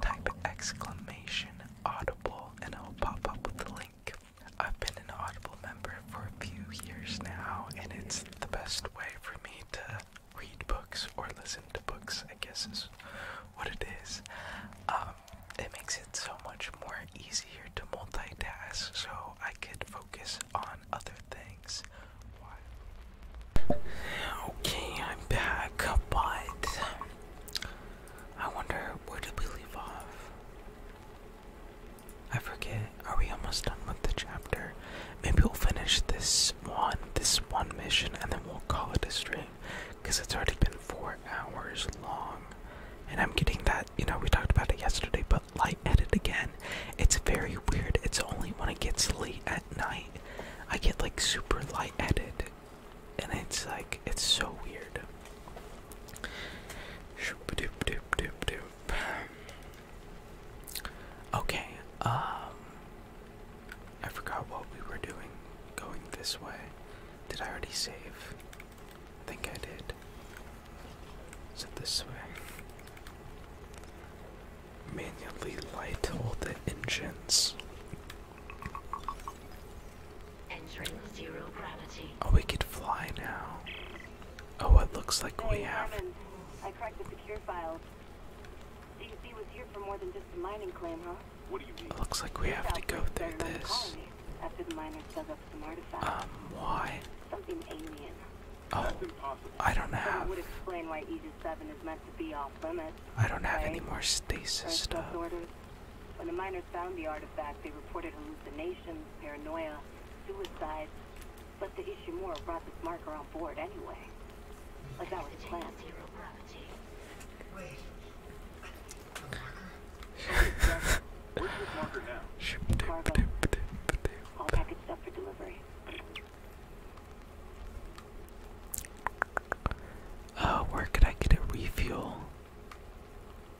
type exclamation audible and it'll pop up with the link. I've been an Audible member for a few years now, and it's the best way for me to read books or listen to books, I guess is what it is. Um, um, it makes it so much more easier to multitask so I could focus on other things. Okay, I'm back, but I wonder where do we leave off? I forget. Are we almost done with the chapter? Maybe we'll finish this one, this one mission, and then we'll call it a stream because it's already been four hours long. And I'm getting that, you know, we talked about it yesterday, but light edit again. It's very weird. It's only when it gets late at night I get like super light edit. And it's like, it's so weird. Okay, um, I forgot what we were doing going this way. Did I already save? I think I did. Is it this way? Manually light all the engines. Entering zero gravity. Oh, we could fly now. Oh, it looks like hey, we have. I cracked the secure files. DZ was here for more just a mining claim, huh? It looks like we have to go through this. Um, why? Something alien. Oh, I don't have. Would explain why Aegis-7 is meant to be off limits. I don't have any more stasis stuff. When the miners found the artifact, they reported hallucinations, paranoia, suicide. But the Ishimura brought this marker on board anyway. Like that was planned. Wait. All package stuff for where could I get a refuel?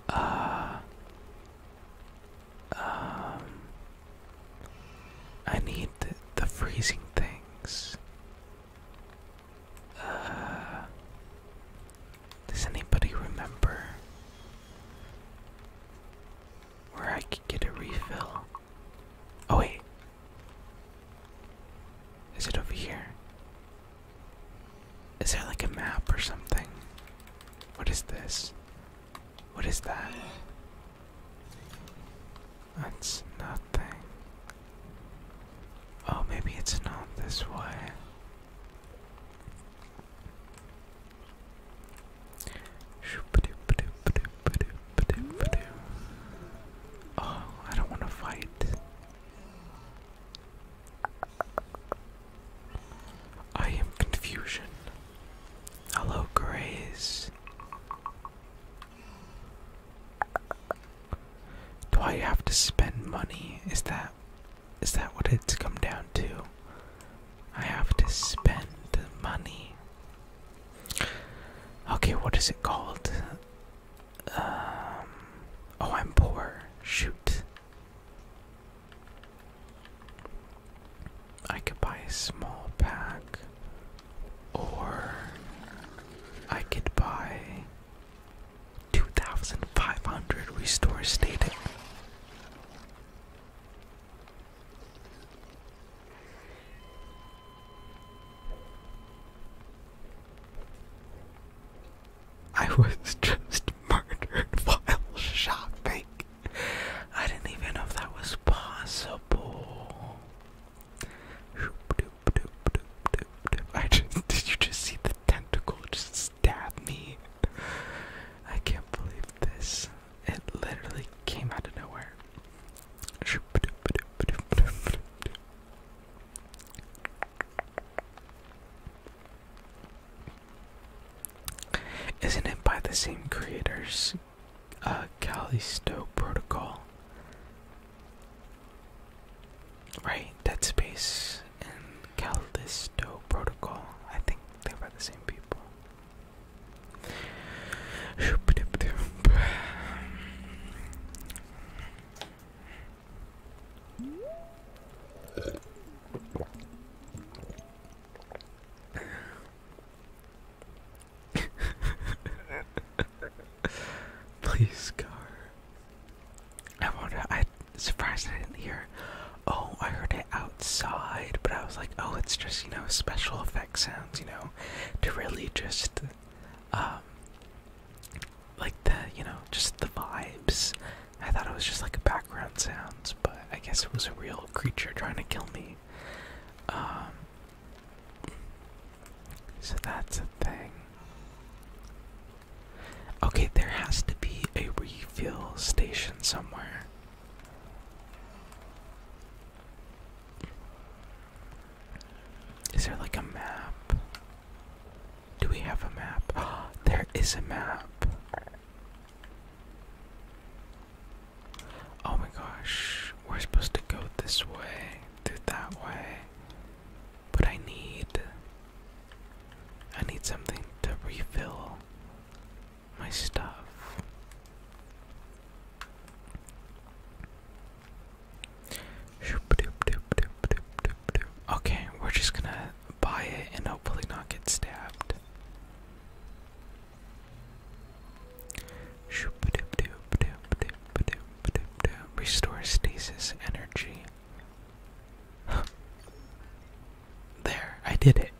Uh, um, I need the, freezing things. Uh, does anybody remember where I could get a refill? Oh, wait. Is it over here? Is there like a map or something? What is this? What is that? That's nothing. Oh, maybe it's not this way. Oh, I don't want to fight. I am confusion. Hello, Grace. Do I have to spend money? Is that is that what it's come down to? I have to spend the money. Okay, what is it called? Um, oh, I'm poor. Shoot. I could buy a small pack, or I could buy 2,500 restore stated. I was just murdered while shopping. I didn't even know if that was possible. I just did you just see the tentacle just stab me. I can't believe this. It literally came out of nowhere. Isn't it by the same creators? Uh, Callisto Protocol. Right, Dead Space and Callisto Protocol. I think they're by the same people. Please, car. I wonder. I surprised I didn't hear. Oh, I heard it outside, but I was like, oh, it's just you know special effects sounds, you know, to really just, um, like the you know just the vibes. I thought it was just like a background sounds, but I guess it was a real creature trying to kill me. Um, so that's a thing. Okay, there has to be a refill station somewhere. Is there like a map? Do we have a map? there is a map. Oh my gosh, we're supposed to go this way, through that way. But I need I need something to refill my stuff. Okay, we're just gonna buy it and hopefully not get stabbed. Restore stasis energy. there, I did it.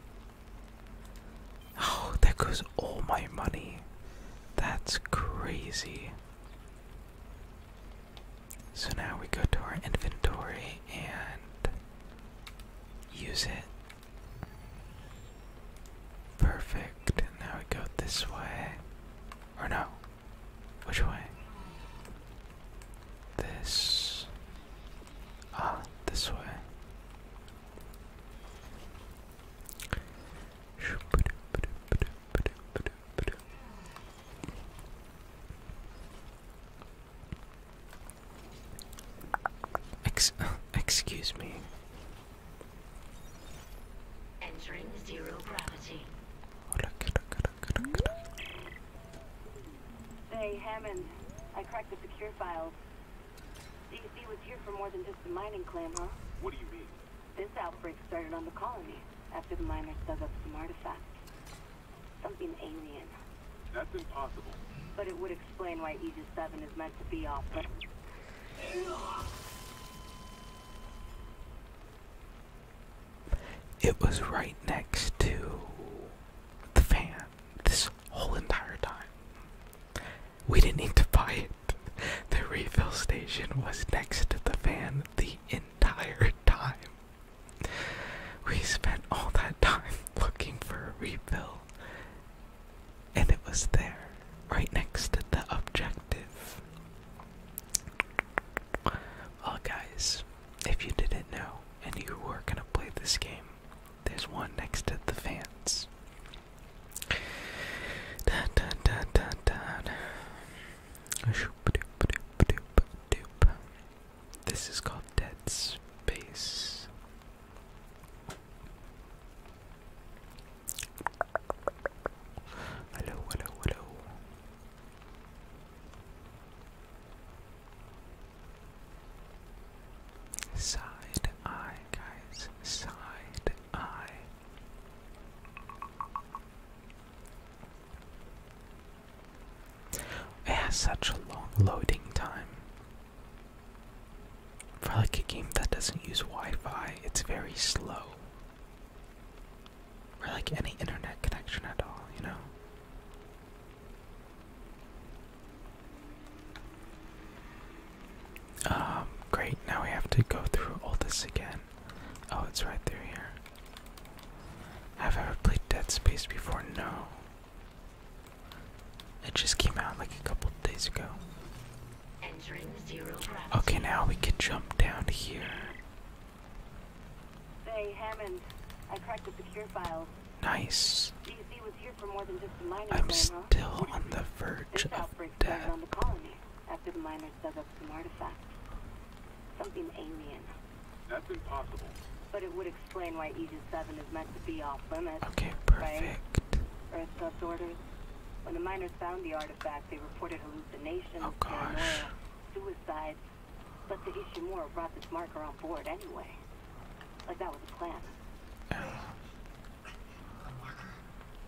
Oh, that goes all my money. That's crazy. So now we go to our inventory and use it. Perfect. Now we go this way. Or no. Which way? This Ah, this way. Ex excuse me. Entering zero gravity. Oh, look, look, look, Hey, Hammond. I cracked the secure files. DC was here for more than just the mining claim, huh? What do you mean? This outbreak started on the colony after the miners dug up some artifacts. Something alien. That's impossible. But it would explain why Aegis 7 is meant to be off. But... It was right next to the fan this whole entire time. We didn't need to buy it. The refill station was next to the fan the entire time. We spent all that time looking for a refill, and it was there, right next to the objective. Well, guys, if you didn't know and you are going to play this game, there's one next to the fans. This is called Dead Space. Hello, hello, hello. Side eye, guys. Side eye. It has such a long loading time. For like a game that doesn't use Wi-Fi, it's very slow. Or like any internet connection at all, you know? Um, great, now we have to go through all this again. Oh, it's right through here. Have I ever played Dead Space before? No. It just came out like a couple days ago. okay, now we can jump down here. Hey, Hammond. I cracked the secure files. Nice. DC was here for more just the miners. I'm still on the verge of outbreak death. on the colony after the miners dug up some artifacts. Something alien. That's impossible. But it would explain why Aegis 7 is meant to be off limits. Okay, perfect. Right? Earth's orders. When the miners found the artifact, they reported hallucinations, oh, paranoia, suicide, but the Ishimura brought this marker on board anyway. Like that was a plan.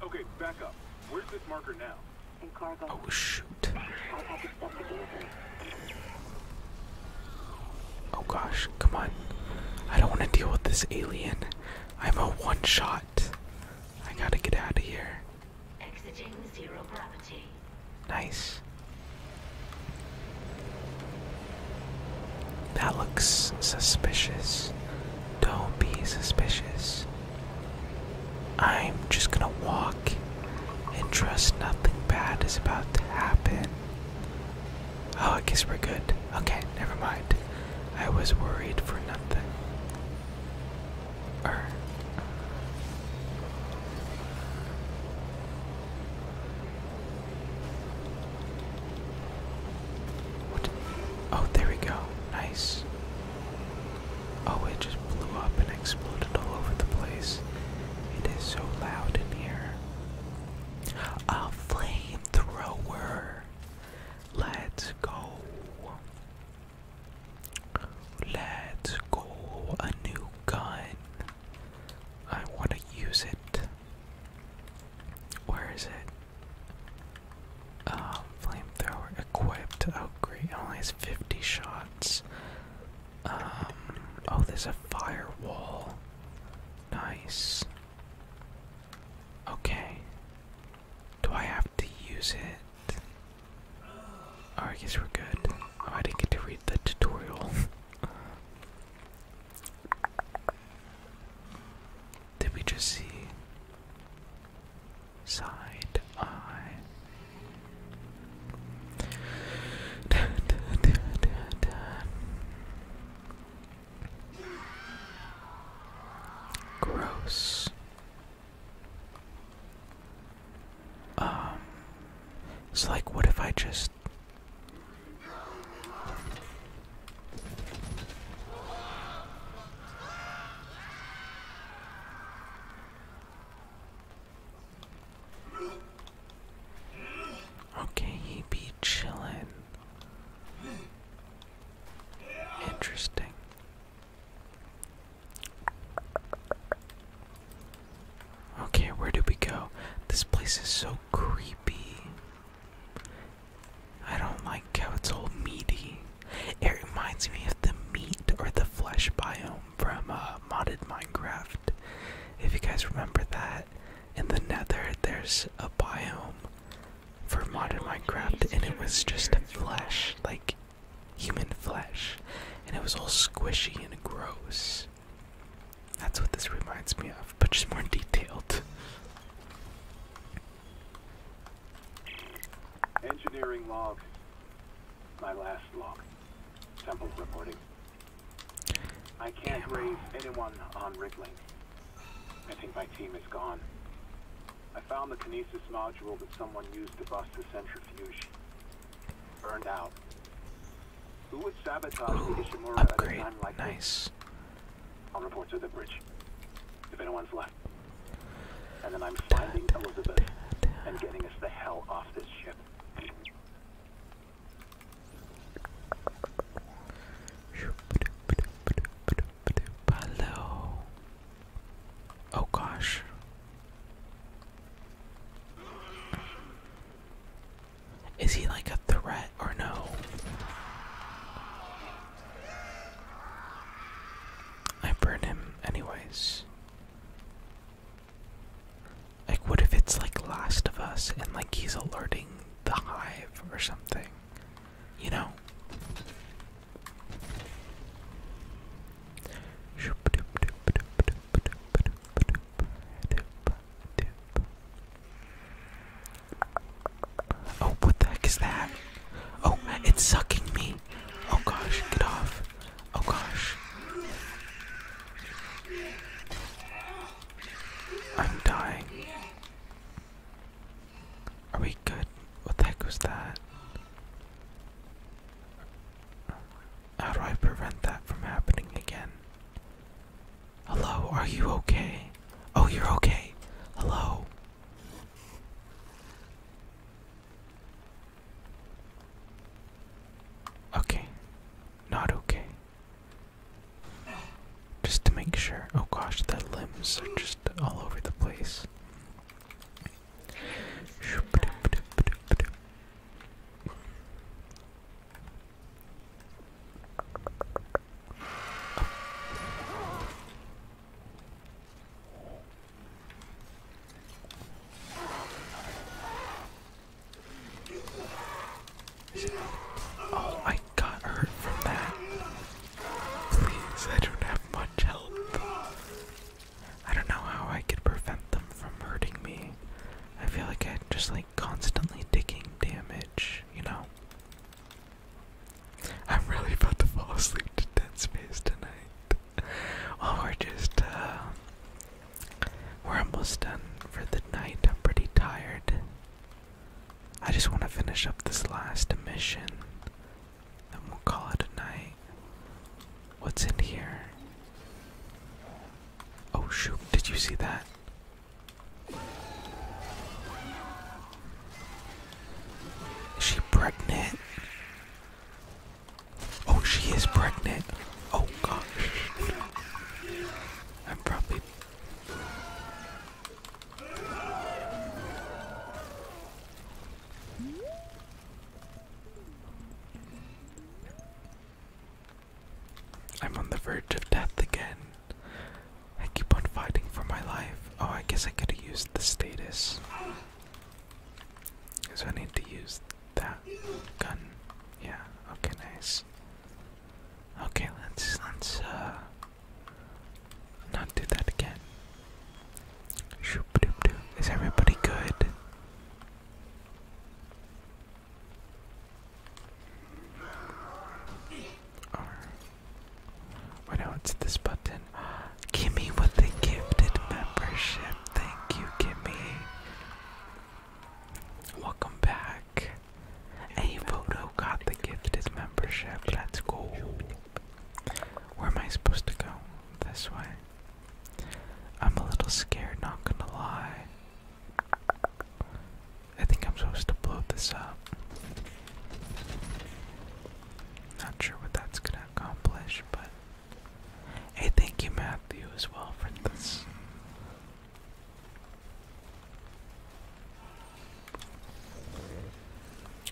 Okay, back up. Where's this marker now? In cargo. Oh shoot. Oh gosh, come on. I don't want to deal with this alien. I'm a one shot. I gotta get out of here. Exiting zero gravity. Nice. That looks suspicious. Don't be suspicious. I'm just gonna walk and trust nothing bad is about to happen. Oh, I guess we're good. Okay, never mind. I was worried for nothing. Er. Oh, there we go. Nice. Oh, it just blew up and exploded all over the place. It is so loud in here. A flamethrower. Let's go. let go. A new gun. I want to use it. Where is it? Uh, flamethrower equipped. Oh, great. only has 50 shots. Um, oh, there's a firewall. Nice. Okay. Do I have to use it? Oh, I guess we're good. Oh, I didn't get to read the tutorial. Did we just see side eye? Gross. Um, it's like, what if I just Okay, he be chillin'. Interesting. Okay, where do we go? This place is so creepy. I don't like how it's all meaty. It reminds me of the meat or the flesh biome from uh, modded Minecraft. If you guys remember that, in the Nether there's a biome for modded Minecraft, and it was just flesh, like human flesh, and it was all squishy and gross. That's what this reminds me of, but just more detailed. Engineering log. My last log. Temple reporting. I can't raise anyone on Rippling. I think my team is gone. I found the kinesis module that someone used to bust the centrifuge. Burned out. Who would sabotage Ooh, the Ishimura upgrade. at a time like nice. On I'll report to the bridge. If anyone's left. And then I'm finding Elizabeth and getting us the hell off this ship. Hello. Oh gosh. Is he like a threat or no? I burned him anyways. Like, what if it's like Last of Us and like he's alerting the hive or something? You know? Oh, what the heck is that? Oh, it's sucking me. Oh gosh, get off. Oh gosh. I'm dying. Are we good? What the heck was that? How do I prevent that from happening again? Hello, are you okay? Oh, you're okay. Hello. Okay. Not okay. Just to make sure. Oh gosh, that limbs are just all over the place. Oh, I got hurt from that. Please, I don't have much health. I don't know how I could prevent them from hurting me. I feel like I'm just like constantly digging damage, you know. I'm really about to fall asleep to Dead Space tonight. well, we're just, uh, we're almost done for the night. I'm pretty tired. I just want to finish up this last mission, then we'll call it a night. What's in here? Oh shoot, did you see that? Is she pregnant? Oh, she is pregnant. Oh gosh. I'm probably. I'm on the verge of death again. I keep on fighting for my life. Oh, I guess I could have used the status. So I need to use that gun. Yeah, okay, nice. Okay, let's let's uh, not do that again. Is everybody good? Alright. Wait, now it's this button. Gimme the gifted membership. Thank you, Gimme. Welcome back. A photo got the gifted membership. Let's go. Where am I supposed to go? This way. I'm a little scared, not gonna lie. I think I'm supposed to blow this up. Not sure what that's gonna accomplish, but hey, thank you, Matthew, as well for this.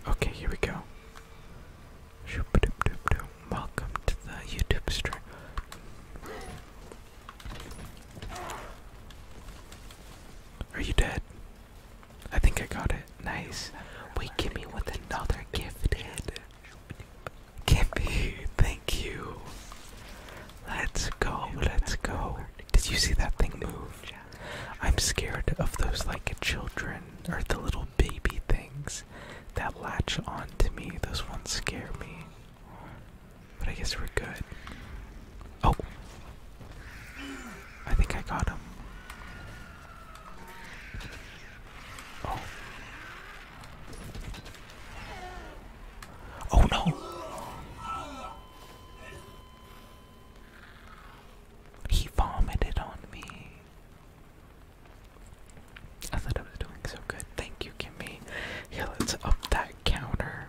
Okay, here we go. Welcome to the YouTube stream. Are you dead? I think I got it. Nice. Wait, give me with another gift Give Gimpy, thank you. Let's go, let's go. Did you see that thing move? I'm scared of those like children or the little baby things that latch on to me. Those ones scare me. But I guess we're good. Oh! I think I got him. Oh. oh. no! He vomited on me. I thought I was doing so good. Thank you, Kimmy. Yeah, let's up that counter.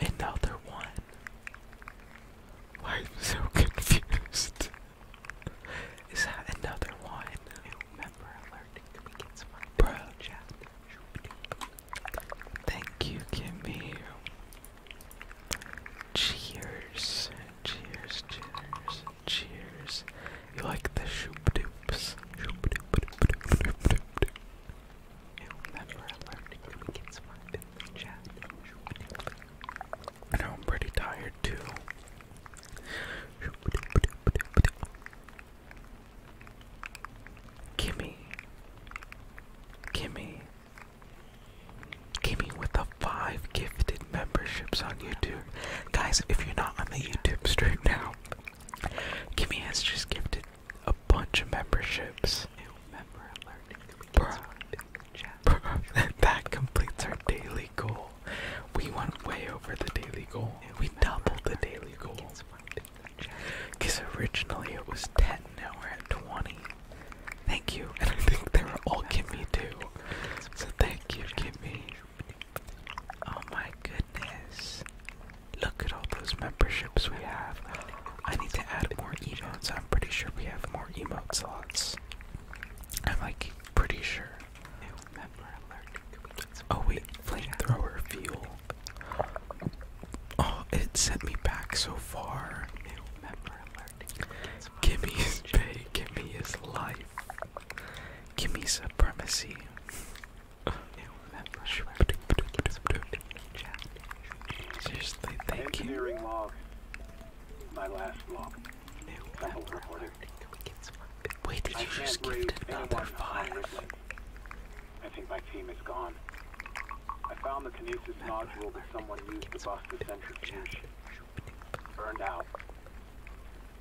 Another one. Why am I so confused? Is that another one? I remember alerting me gets my bro chat. Thank you, Kimmy. Cheers. Cheers, cheers, cheers. You like the shoop doops. And that's where I learned to really get smart in the chat. And I'm pretty tired too. Gimme. Gimme. Gimme with the five gifted memberships on YouTube. Guys, if you're not on the YouTube stream now, Gimme has just gifted a bunch of memberships. New member alert. Bruh. that completes our daily goal. We went way over the daily goal. We doubled the daily goal. Because originally it was 10, now we're at 20. Thank you. And I think they were all Kimmy too. So thank you, Kimmy. Oh my goodness. Look at all those memberships we have. I need to add more emotes. I'm pretty sure we have more emote slots. I'm like pretty sure. Oh wait, flamethrower fuel. Oh, it sent me back so far. Give me his pay, give me his life. Give me supremacy. I Seriously, thank you. Wait, did you just gift another five? think my team is gone. I found the kinesis nodule that someone used to bust the centrifuge. Burned out.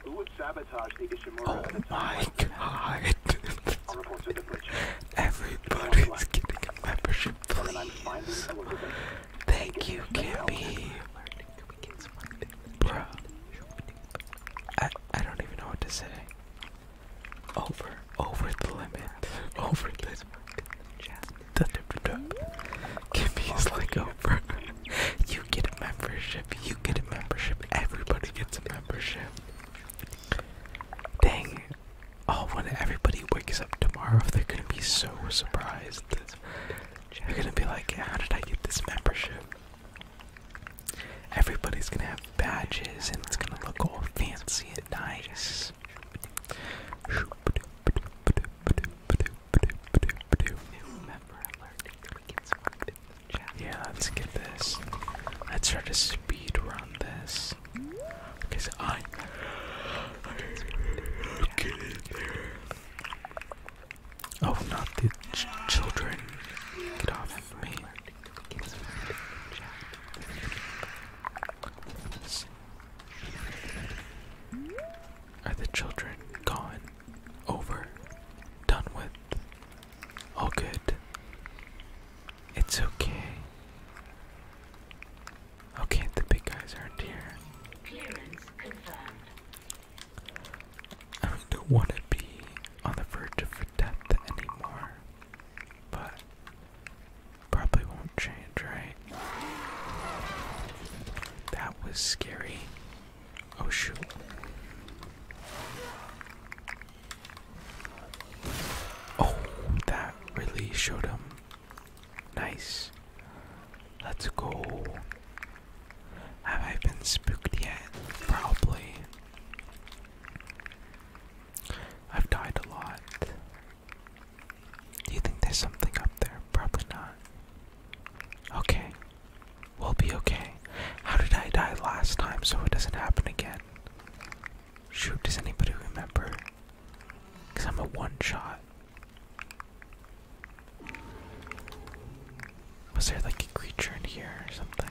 Who would sabotage the Ishimura? Oh my god! Everybody's getting membership, please. Thank you, Kimmy. Bro, I I don't even know what to say. Over, over the limit, over the. Kimmy is like over. Oh, you get a membership. You get a membership. Everybody gets a membership. Dang, Oh, when everybody wakes up tomorrow, they're gonna be so surprised. They're gonna be like, how did I get this membership? Everybody's gonna have badges and it's gonna look all fancy and nice. Yeah, let's get this. Let's try to speed run this. Because I. Get in there. Oh, not the children. Get off of me. Are the children gone? Over? Done with? All good. It's okay. Okay, the big guys aren't here. don't want to be on the verge of death anymore, but probably won't change, right? That was scary. Oh shoot. Oh, that really showed him. Nice. Let's go. Have I been spooked yet? Probably. I've died a lot. Do you think there's something up there? Probably not. Okay. We'll be okay. How did I die last time so it doesn't happen again? Shoot, does anybody remember? Because I'm a one shot. Was there like a creature in here or something?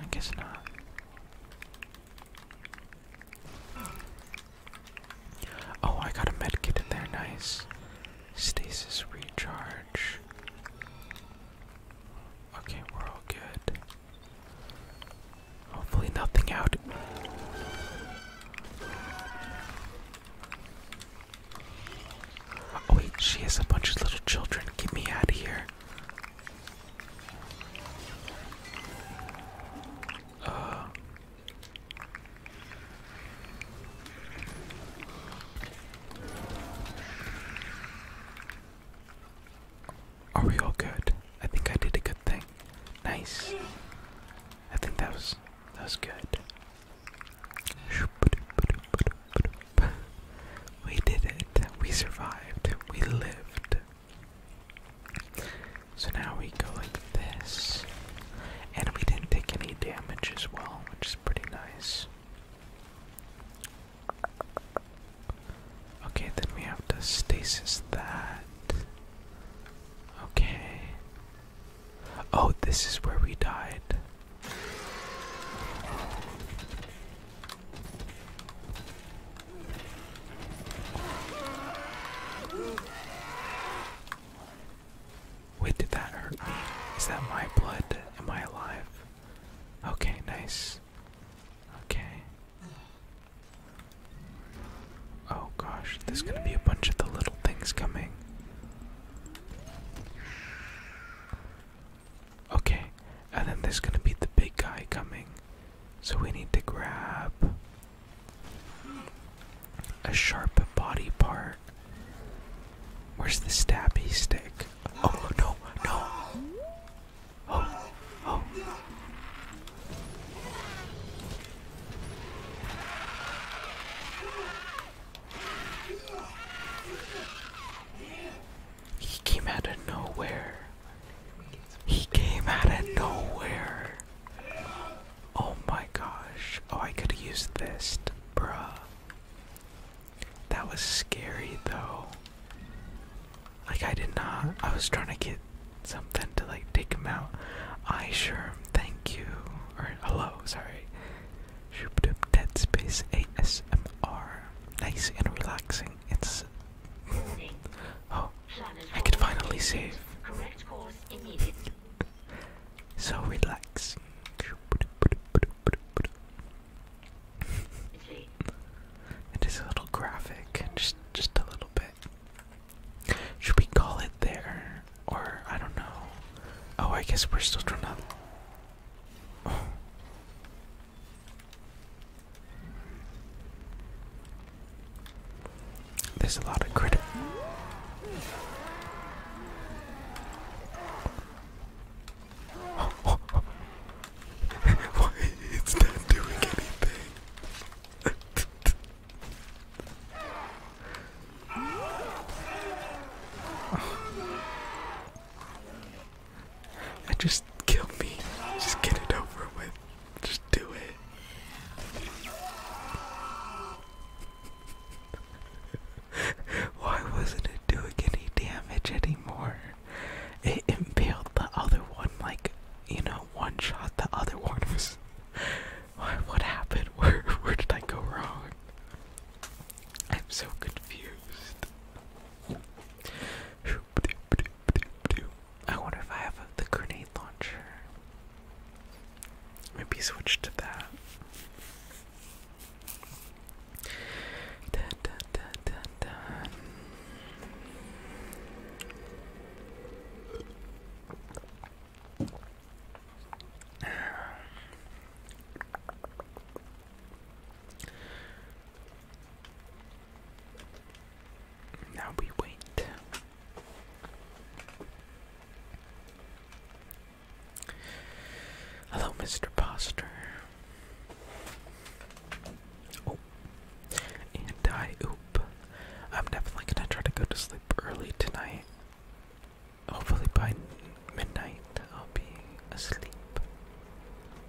I guess not. Oh, I got a medkit in there, nice. Stasis recharge. Okay, we're all good. Hopefully, nothing out. Oh, wait, she has a bunch of little children. Get me out of here. Uh. Are we all good? I think I did a good thing. Nice. I think that was that was good. We did it. We survived. We lived. So now we go like this. And we didn't take any damage as well, which is pretty nice. Okay, then we have to stasis that. Okay. Oh, this is where we died. Wait, did that hurt me? Is that my blood? Am I alive? Okay, nice. Okay. Oh gosh, there's gonna be a bunch of the little things coming. Okay, and then there's gonna be the big guy coming. So we need to grab a sharp body part. Where's the stabby stick? Oh no, no! Oh, He came out of nowhere. He came out of nowhere. Oh my gosh. Oh, I could use this, bruh. That was scary though. Like I did not. I was trying to get something to like take him out. I sure thank you. Or hello, sorry. Shoop doop dead space ASMR. Nice and relaxing. It's Oh. I could finally save. Correct course immediately. so relaxing. it is a little graphic, just just a little bit. Should we call it there? Or I don't know. Oh, I guess we're still trying to. There's a lot of crit. Why it's not doing anything? just kill me. Just get it over with. Just do it. Why wasn't it doing any damage anymore? It impaled the other one like you know, one shot the other one was what happened? Where where did I go wrong? I'm so confused. I wonder if I have the grenade launcher. Maybe switch to that. Now we wait. Hello, Mr. Poster. Oh, and die. Oop. I'm definitely gonna try to go to sleep early tonight. Hopefully by midnight I'll be asleep.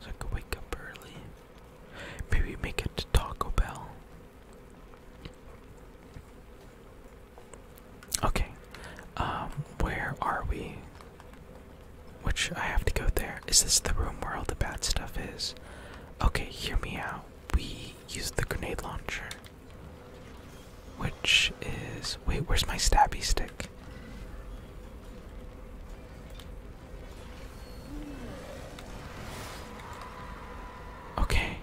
So I can wake up early. Maybe make it to Taco Bell. Okay. Um, where are we? Which I have to go there. Is this the room where all the bad stuff is? Okay, hear me out we use the grenade launcher, which is. Wait, where's my stabby stick? Okay.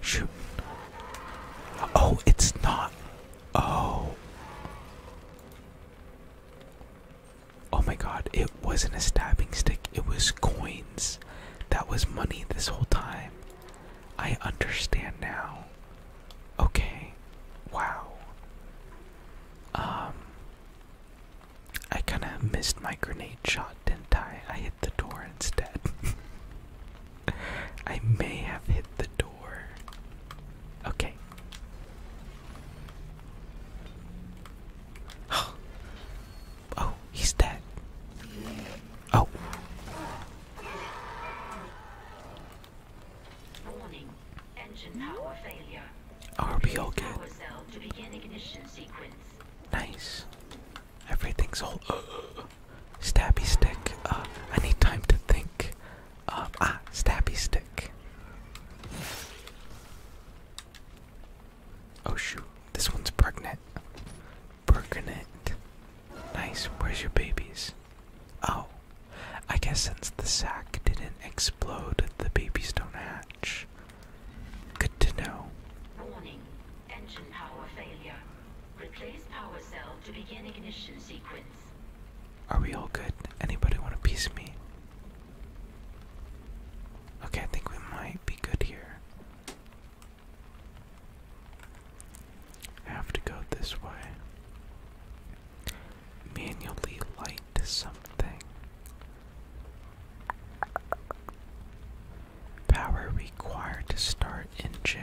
Shoot. Oh, it's not. Oh. Oh my god, it wasn't a stabbing stick, it was coins. That was money this whole time. I understand now. Okay. Wow. Um I kind of missed my grenade shot, didn't I? I hit the door instead. I may have hit the door. Okay. Oh, oh he's dead. Oh. Warning. Engine power failure. Are we all good? Nice. Everything's all uh, stabby stick. Uh, I need time to think. Uh, ah, stabby stick. Oh shoot, this one's pregnant. Pregnant. Nice, where's your babies? Oh, I guess since the sack didn't explode, the babies don't hatch. Good to know. Warning, engine power failure. Replace power cell to begin ignition sequence. Are we all good? Anybody want a piece of me? Okay, I think we might be good here. have to go this way. Manually light something. Power required to start engine.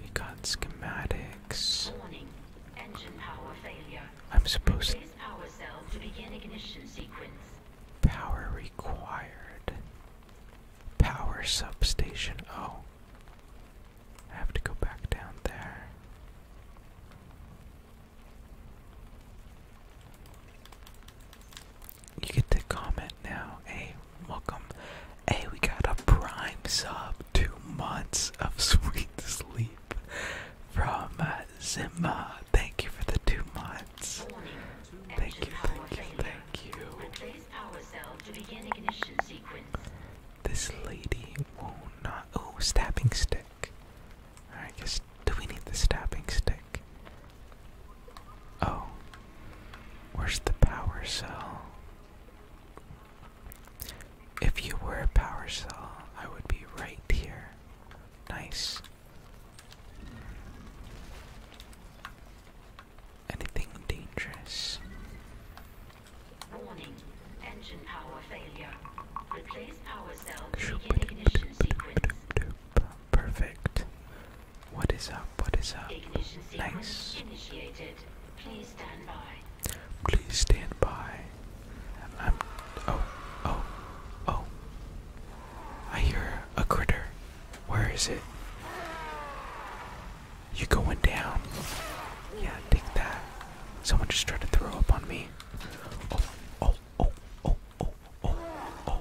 We got schematics. Warning. Engine power failure. I'm supposed to begin ignition sequence. Power required. Power substation. Oh. I have to go back down there. You get to comment now. Hey, welcome. Hey, we got a prime sub. Two months of sweet sleep from uh, Thank you for the two months. Thank you, thank you, thank you. This lady will not. Oh, stabbing stick. I guess. Do we need the stabbing stick? Oh. Where's the power cell? If you were a power cell, I would be right here. Nice. Anything dangerous? Warning. Engine power failure. Replace power cell begin ignition sequence. Perfect. What is up? What is up? Ignition sequence nice. initiated. Please stand by. Please stand by. I'm. Oh, oh, oh. I hear a critter. Where is it? You going down? Yeah, take that. Someone just tried to throw up on me. Oh, oh, oh, oh, oh, oh, oh.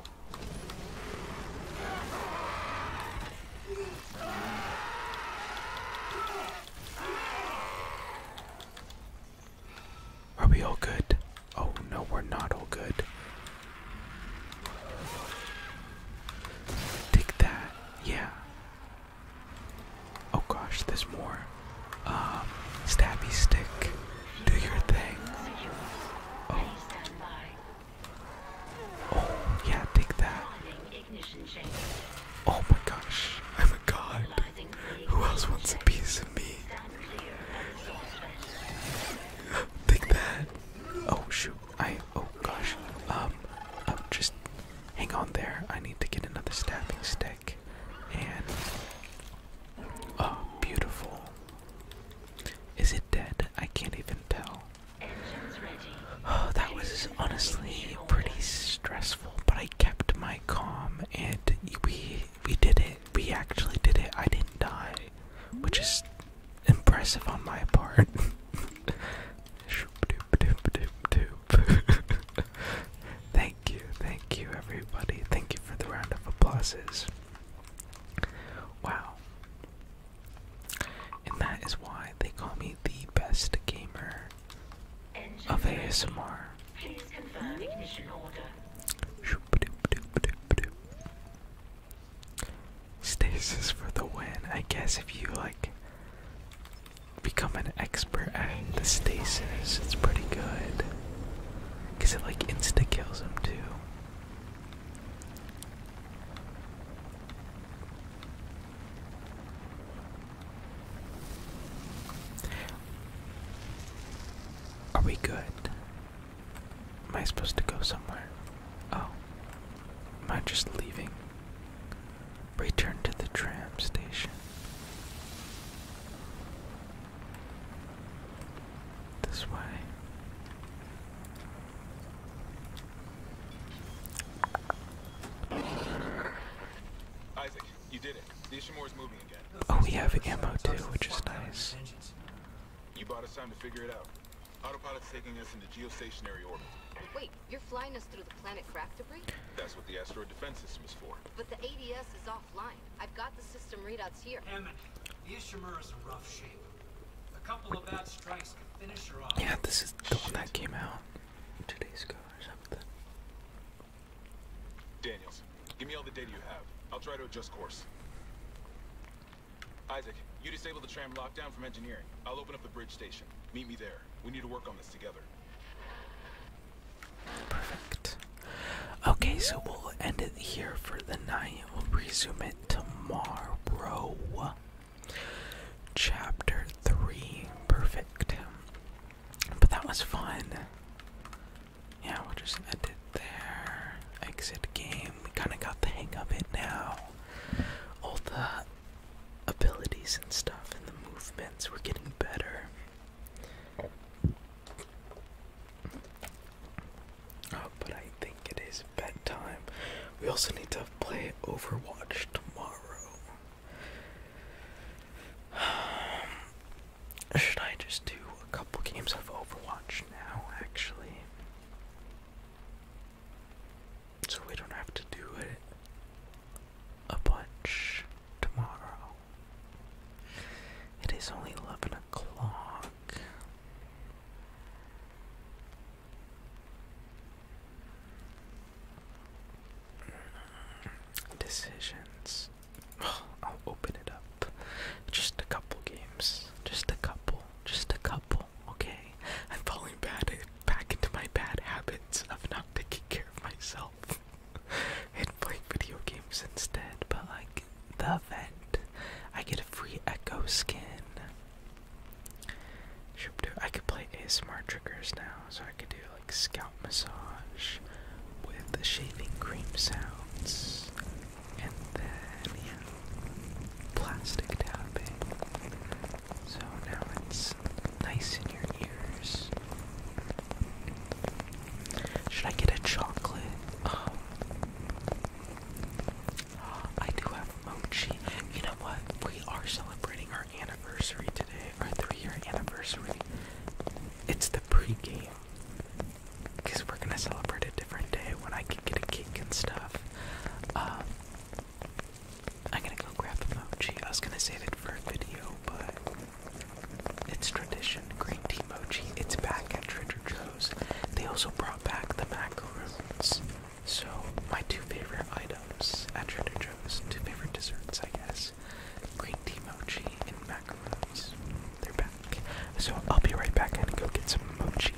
Are we all good? Oh no, we're not all good. Take that. Yeah. Oh gosh, there's more. Um, stabby stick. Do your thing. Oh. oh, yeah, take that. Oh my gosh, I'm a god. Who else wants a piece of me? Take that. Oh shoot. I oh gosh. Um i um just hang on there. I need to get another stabbing stick. And Oh, beautiful. Is it dead? I can't even tell. Oh, that was honestly pretty stressful, but I kept my calm and we we did it. We actually did it. I didn't die, which is impressive on my part. thank you, thank you, everybody. Thank you for the round of applauses. Wow. And that is why they call me the best gamer of ASMR. Stasis for the win. I guess if you like become an expert at stasis, it's pretty good. Cause it like insta kills them too. Are we good? Am I supposed to go somewhere? Oh. Am I just leaving? Return to the tram station. This way. Isaac, you did it. The is moving again. Oh, we have ammo too, which is nice. You bought us time to figure it out. Autopilot's taking us into geostationary orbit. Wait, you're flying us through the planet craft debris? That's what the asteroid defense system is for. But the ADS is offline. I've got the system readouts here. Emmett, the Ishimura's in rough shape. A couple of bad strikes could finish her off. Yeah, this is the one that came out two days ago or something. Daniels, Give me all the data you have. I'll try to adjust course. Isaac, you disable the tram lockdown from engineering. I'll open up the bridge station. Meet me there. We need to work on this together. Perfect. Okay, so we'll end it here for the night. We'll resume it tomorrow. Chapter 3. Perfect. But that was fun yeah, we'll just end it there. Exit game. We kind of got the hang of it now. All the abilities and stuff and the movements were getting better. Oh, but I think it is bedtime. We also need to play Overwatch tomorrow. Um, should I just do a couple games of Overwatch now, actually? So we don't have to do it a bunch tomorrow. It is only 11 o'clock. Decisions. I'll open it up. Just a couple games. Just a couple. Just a couple. Okay. I'm falling back into my bad habits of not taking care of myself and play video games instead. But like the vent, I get a free Echo skin. I could play ASMR triggers now, so I could do like scalp massage with the shaving cream sounds. And then, yeah, plastic tapping. So now it's nice in your ears. Should I get a chocolate? Oh. I do have mochi. You know what? We are celebrating our anniversary today, our three year anniversary. It's the pregame because we're gonna celebrate a different day when I can get a cake and stuff. Um, I'm gonna go grab the mochi. I was gonna save it for a video, but it's tradition. Green tea mochi. It's back at Trader Joe's. They also brought back the macaroons. So my two favorite items at Trader Joe's, two favorite desserts, I guess, green tea mochi and macaroons. They're back. So I'll be right back and go get some mochi.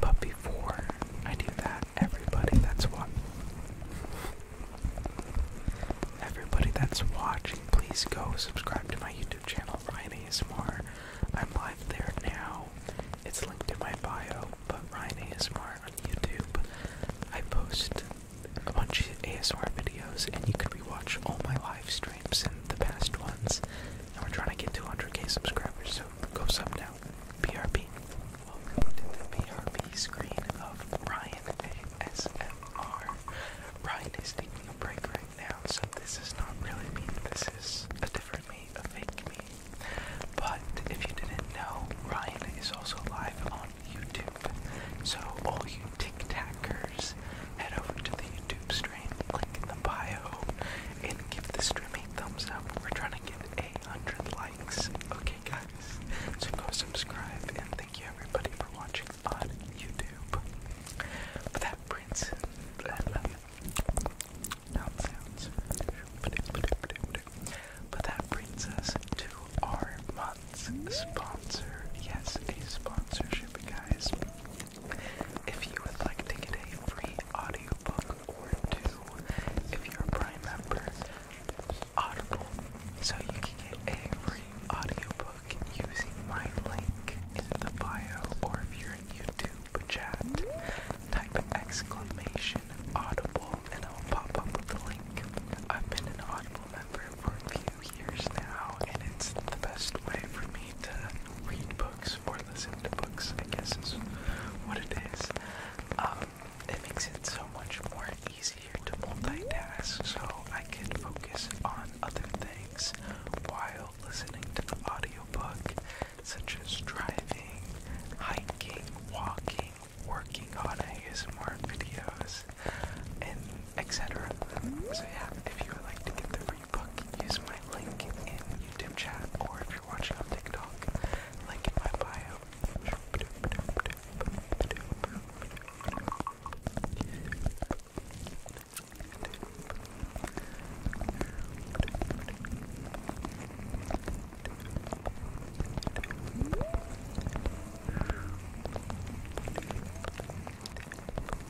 But before I do that, everybody that's watching, please go subscribe to my YouTube channel, Ryan ASMR. I'm live there now. It's linked in my bio, but Ryan ASMR on YouTube. I post a bunch of ASR videos, and you can rewatch all my live streams and the past ones. And we're trying to get 200k subscribers, so go sub now. BRB. Welcome to the BRB screen of Ryan ASMR. Ryan is taking a break right now, so this is not really me. This is a different me, a fake me. But if you didn't know, Ryan is also live on YouTube. So all you tic tackers, head over to the YouTube stream, click in the bio, and give the stream a thumbs up. We're trying to get a hundred likes. Okay guys. So go subscribe and thank you everybody for watching on YouTube. But that brings Mouth sounds. But that brings us to our month sponsor. Yes, a sponsorship, guys. If you would like to get a free audiobook or two, if you're a Prime member, Audible. So you can get a free audiobook using my link in the bio, or if you're in YouTube chat, type exclamation audible and I'll pop up with the link. I've been an Audible member for a few years now, and it's the best way for me to read books or listen to books, I guess is what it is. Um, it makes it so much more easier to multitask, so I can focus on other things while listening to the audiobook, such as driving, hiking, walking, working on ASMR videos, and etc. So yeah, if you would like to get the free book, use my link in YouTube chat, or if you're watching on TikTok, link in my bio.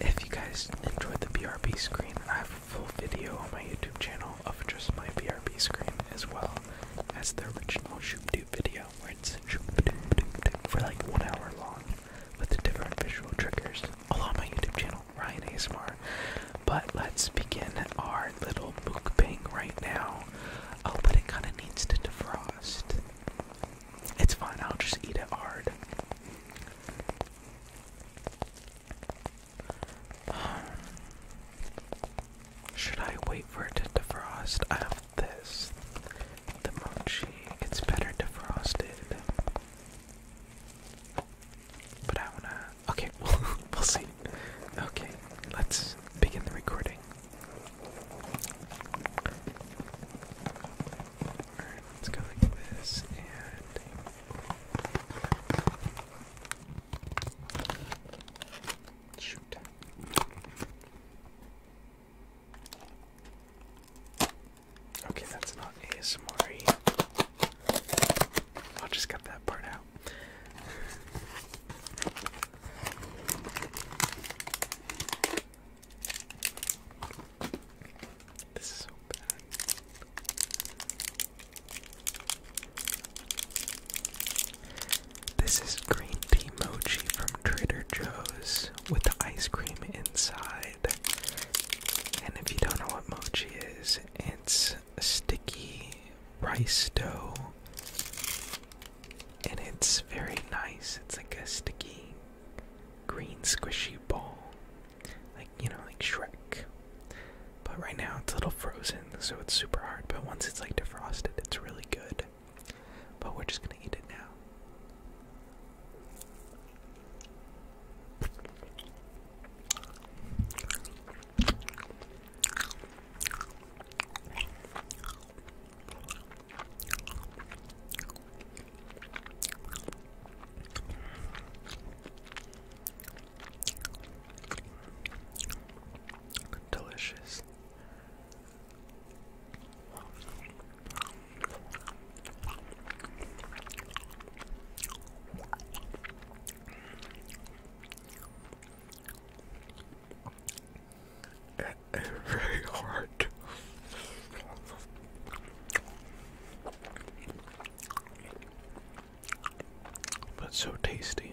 If you guys enjoyed the BRB screen, I have a full video on my YouTube channel of just my BRB screen as well as the original ShoopDoop video where it's ShoopDoop for like one hour long with the different visual triggers all on my YouTube channel, Ryan ASMR. But let's begin our little mukbang right now. Oh, but it kind of needs to defrost. It's fine, I'll just eat it hard. Um, should I wait for it to defrost? I have this. The mochi. It's better defrosted. But I wanna. Okay, we'll, we'll see. Okay, let's begin the recording let's go like this and shoot. Okay, that's not ASMR. I'll just cut that part out. This is so bad. This is green tea mochi from Trader Joe's with the ice cream inside. And if you don't know what mochi is, it's sticky rice dough. And it's very nice. It's like a sticky green squishy ball. Like, you know, like Shrek. But right now it's a little frozen, so it's super hard. But once it's like defrosted, it's really good. But we're just gonna eat it now. Delicious. It's very hard. But so tasty.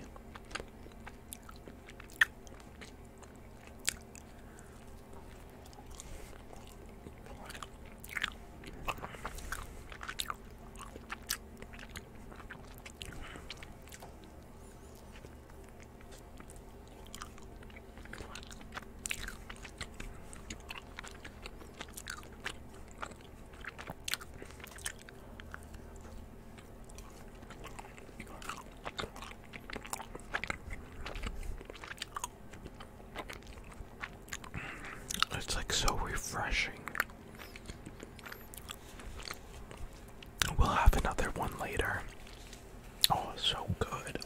It's like so refreshing. We'll have another one later. Oh, so good.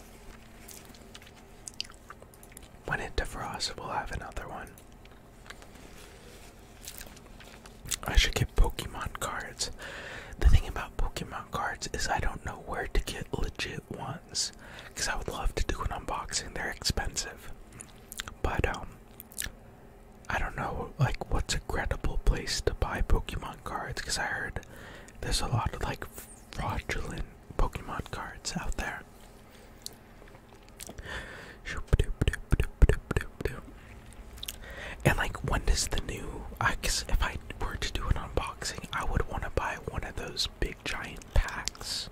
When it defrosts, we'll have another one. I should get Pokemon cards. The thing about Pokemon cards is I don't know where to get legit ones. Because I would love to do an unboxing. They're expensive. But, um, I don't know, like, what's a credible place to buy Pokemon cards. Because I heard there's a lot of, like, fraudulent Pokemon cards out there. And like, when does the new? I guess if I were to do an unboxing, I would want to buy one of those big giant packs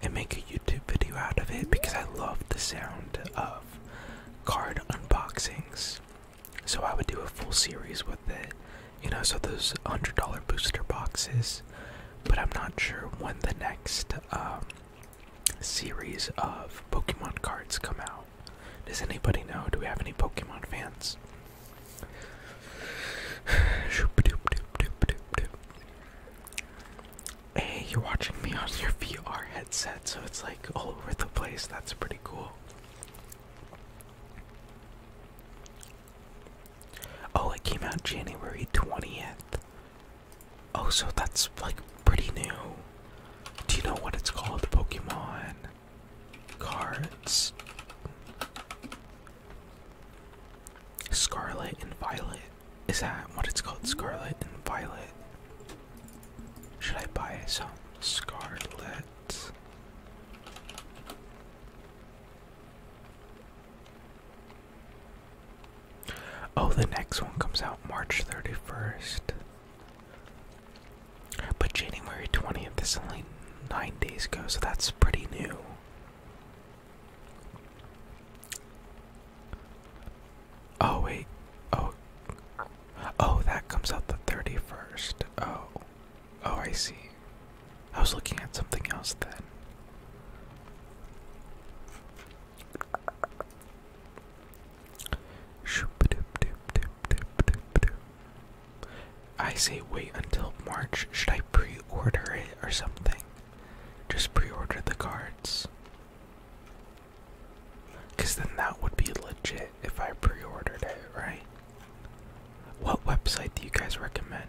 and make a YouTube video out of it because I love the sound of card unboxings. So I would do a full series with it, you know. So those hundred dollar booster boxes, but I'm not sure when the next um, series of Pokemon cards come out. Does anybody know? Do we have any Pokemon fans? Hey, you're watching me on your VR headset, so it's like all over the place. That's pretty cool. Oh, it came out January 20th. Oh, so that's like pretty new. Do you know what it's called? Pokemon cards. Scarlet and Violet. Is that what it's called? Scarlet and Violet. Should I buy some Scarlet? Oh, the next one comes out March 31st. But January 20th is only nine days ago, so that's pretty new. Oh, wait. Oh. Oh, that comes out the 31st. Oh. Oh, I see. I was looking at something else then. I say wait until March. Should I pre order it or something? Just pre order the cards. Because then that would be legit if I pre ordered it, right? What website do you guys recommend?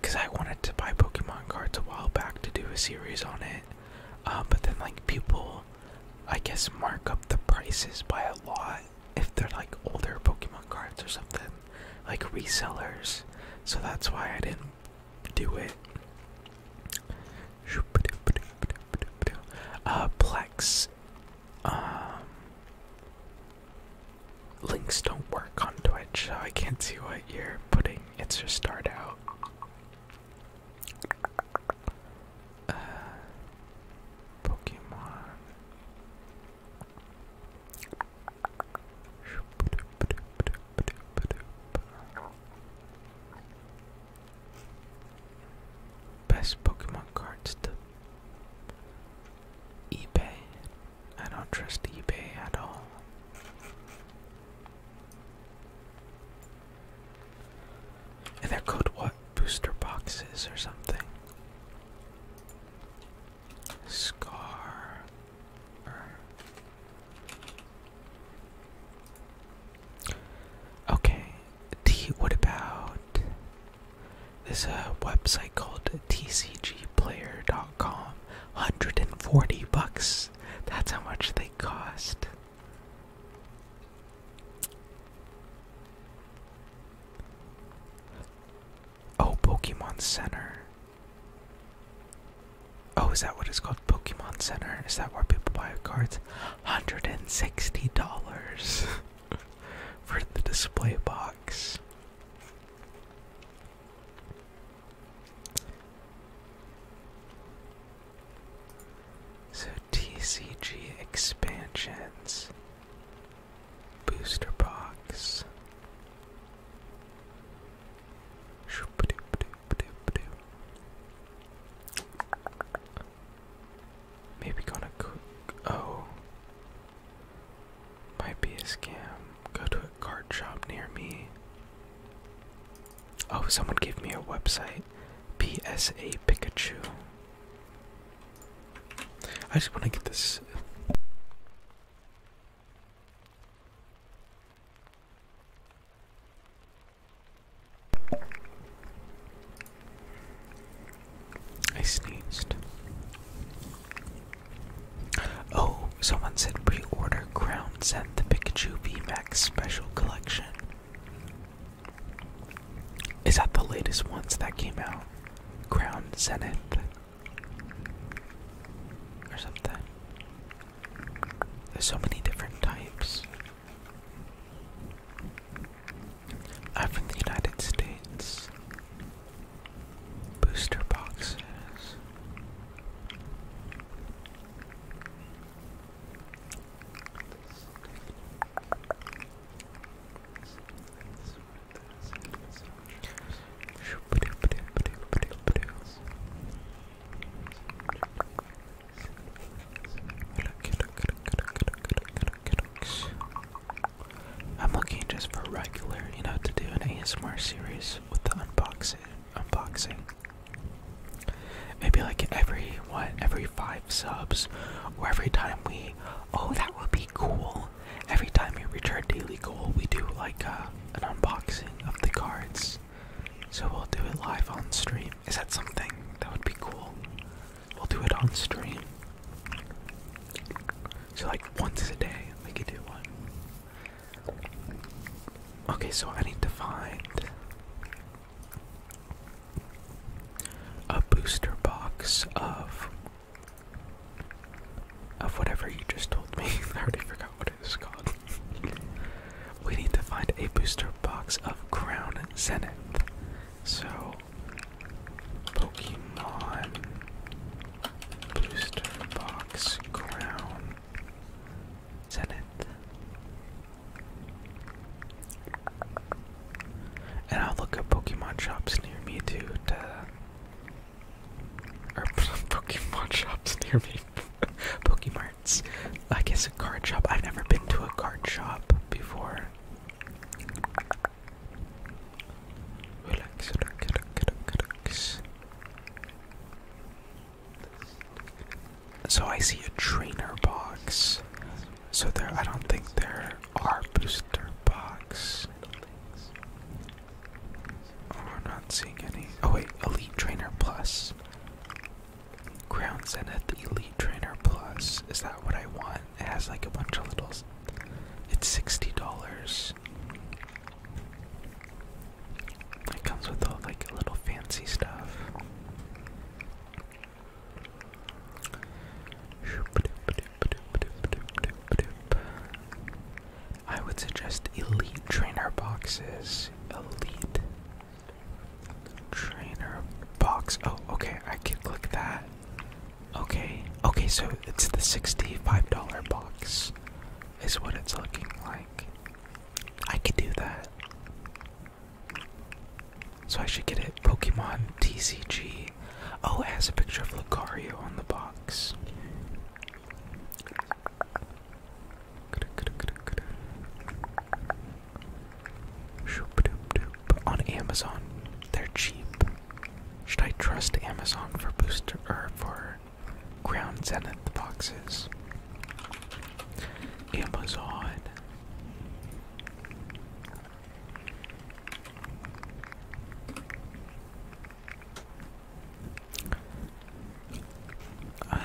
Because I wanted to buy Pokemon cards a while back to do a series on it, uh, but then, like, people, I guess, mark up the prices by a lot if they're like older Pokemon cards or something, like resellers. So that's why I didn't do it. Uh, Plex um, links don't work on Twitch, so I can't see what you're putting. It's your start out. Uh, Pokemon best Pokemon cards to eBay. I don't trust eBay at all. And they're what? Booster boxes or something. Scar. Okay. T. What about this uh, website called tcgplayer.com. 140 bucks. That's how much they cost. Oh, Pokemon Center. Oh, is that what it's called? Pokemon Center? Is that where people buy cards? $160. for the display box. So TCG expansions, booster box. Maybe gonna Oh. Might be a scam. Go to a card shop near me. Oh, someone gave me a website. PSA Pikachu. I just want to get this. I sneezed. Oh, someone said pre-order Crown sent the Pikachu Max Special Collection. Is that the latest ones that came out? Crown Zenith? Or something? There's so many different types. I'm from the United States. Booster boxes. I'm looking just for regular, you know, to do an ASMR series with the unboxing. Unboxing. Maybe like every what, every five subs, or every time we. Oh, that would be cool. Every time we reach our daily goal, we do like uh, an unboxing of the cards. So we'll do it live on stream. Is that something that would be cool? we'll do it on stream. So like once a day, we could do one. Okay, so I need to find a booster box of of whatever you just told me. I already forgot what it's called. we need to find a booster box of Crown Zenith. So Pokemon Booster Box Crown Zenith. And I'll look at Pokemon shops near me too to or Pokemon shops near me. Pokemarts. I guess a card shop. I've never been to a card shop before. So I see a trainer box. So there, I don't think there are booster box. we're oh, not seeing any. Oh wait, Elite Trainer Plus. Ground Zenith Elite Trainer Plus. Is that what I want? It has like a bunch of little. It's sixty dollars. It comes with all like little fancy stuff. I would suggest elite trainer boxes. Elite trainer box. Oh, okay. I can click that. Okay, okay, so it's the $65 box, is what it's looking like. I could do that. So I should get it Pokemon TCG. Oh, it has a picture of Lucario on the box. On Amazon, they're cheap. Should I trust Amazon for booster or for ground zenith boxes? Amazon. I'm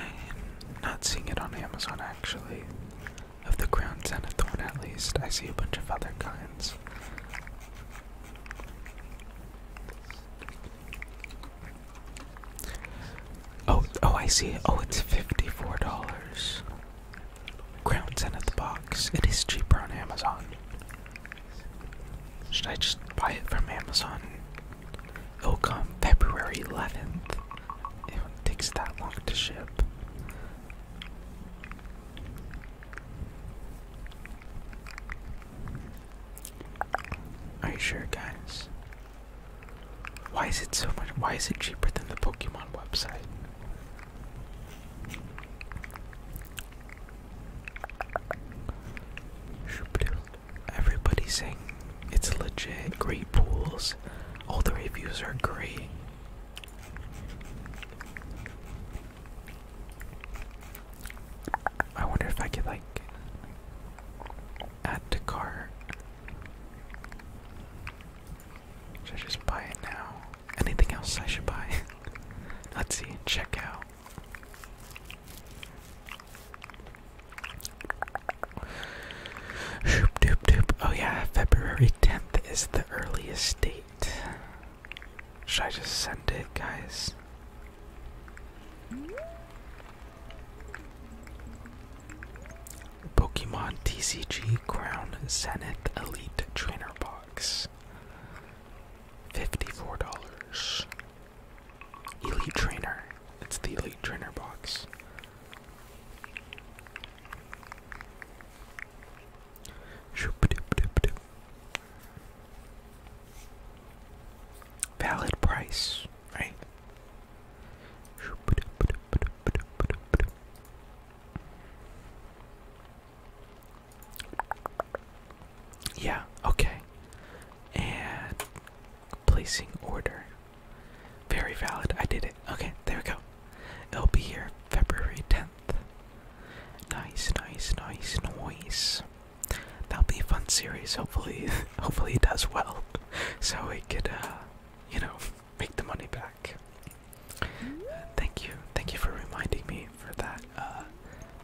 not seeing it on Amazon actually. Of the ground zenith one at least. I see a bunch of other kinds. Oh, oh, I see Oh, it's fifty-four dollars. Crown ten at the box. It is cheaper on Amazon. Should I just buy it from Amazon? It'll come February eleventh. It takes that long to ship. Are you sure, guys? Why is it so much? Why is it cheaper than the Pokemon website? Everybody's saying it's legit, great pools. All the reviews are great. I wonder if I could like add the car. Should I just buy it now? Anything else I should buy? Let's see, check out. Shoop doop doop. Oh yeah, February 10th is the earliest date. Should I just send it, guys? Pokemon TCG Crown Zenith Elite Trainer Box. $54. Elite Trainer. It's the Elite Trainer Box. Valid price, right? Yeah, okay. And placing order. Very valid. I did it. Okay, there we go. It'll be here February 10th month. Nice, nice, nice, nice. That'll be a fun series. Hopefully, hopefully it does well, so we could, uh, you know, make the money back. thank you, thank you for reminding me for that, uh,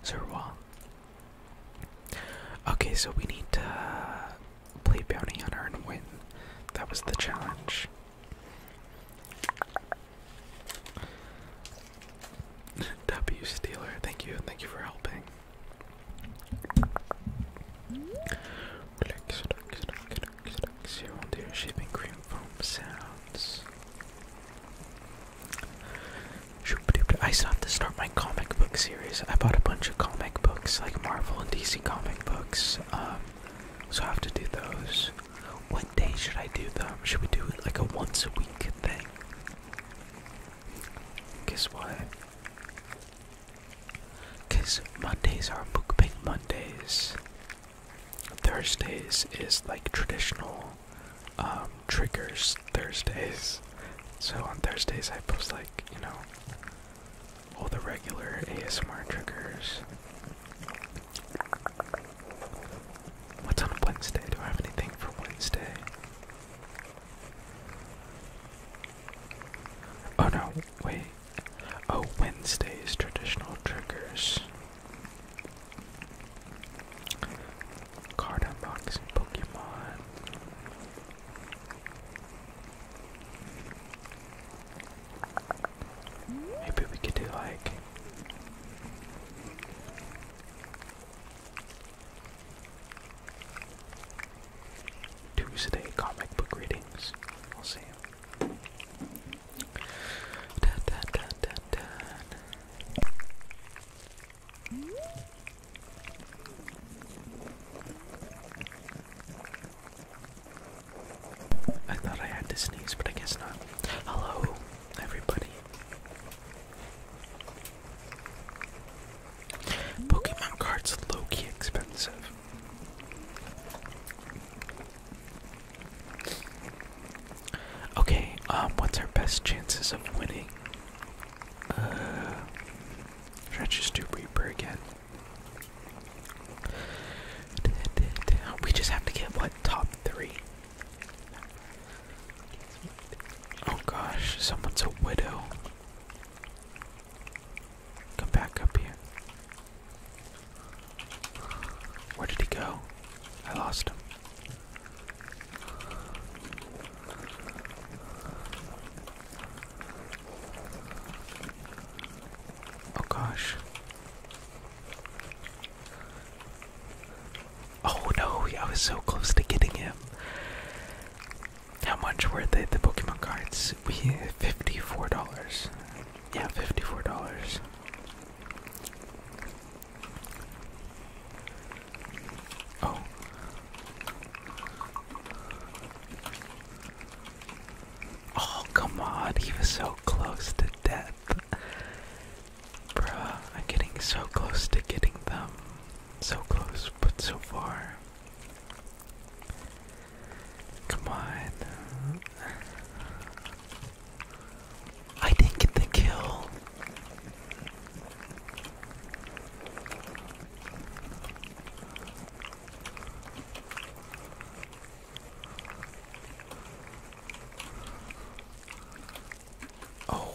Zerwa. Okay, so we need to uh, play bounty hunter and win. That was the challenge. W Steeler, thank you, thank you for helping. Relax, relax, shaving cream foam sounds. I have to start my comic book series. I bought a bunch of comic books, like Marvel and DC comic books, um, so I have to do those. What day should I do them? Should we do it like a once a week thing? Guess what? Cause Mondays are bookbank Mondays. Thursdays is like traditional um, triggers Thursdays. So on Thursdays I post like, you know, all the regular ASMR triggers. What's on Wednesday? Do I have anything for Wednesday? Oh no, wait. Oh, Wednesday's traditional triggers. Card unboxing Pokemon. Maybe we could do like Tuesday comic book readings. I'll see you. I thought I had to sneeze, but I guess not. Hello, everybody. Pokemon cards low key expensive. Okay, um, what's our best chances of winning? Uh, should just do Reaper again? We just have to get what top three. Oh gosh, someone's a widow. Come back up here. Where did he go? I lost him. Oh gosh. Oh no, I was so close to getting him. How much were the, the Pokemon cards? We $54. Yeah, $54. Oh. Oh, come on. He was so close to death. Bruh, I'm getting so close to getting them. So close, but so far. Come on. I didn't get the kill. Oh.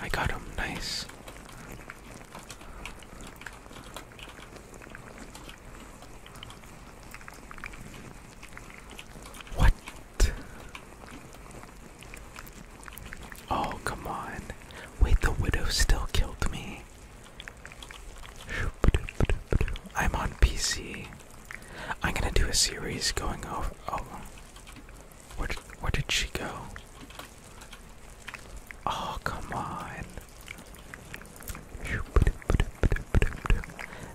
I got him. Nice. What? Oh, come on. Wait, the widow still killed me. I'm on PC. I'm gonna do a series going over. Oh, where did, where did she go? Oh, come on.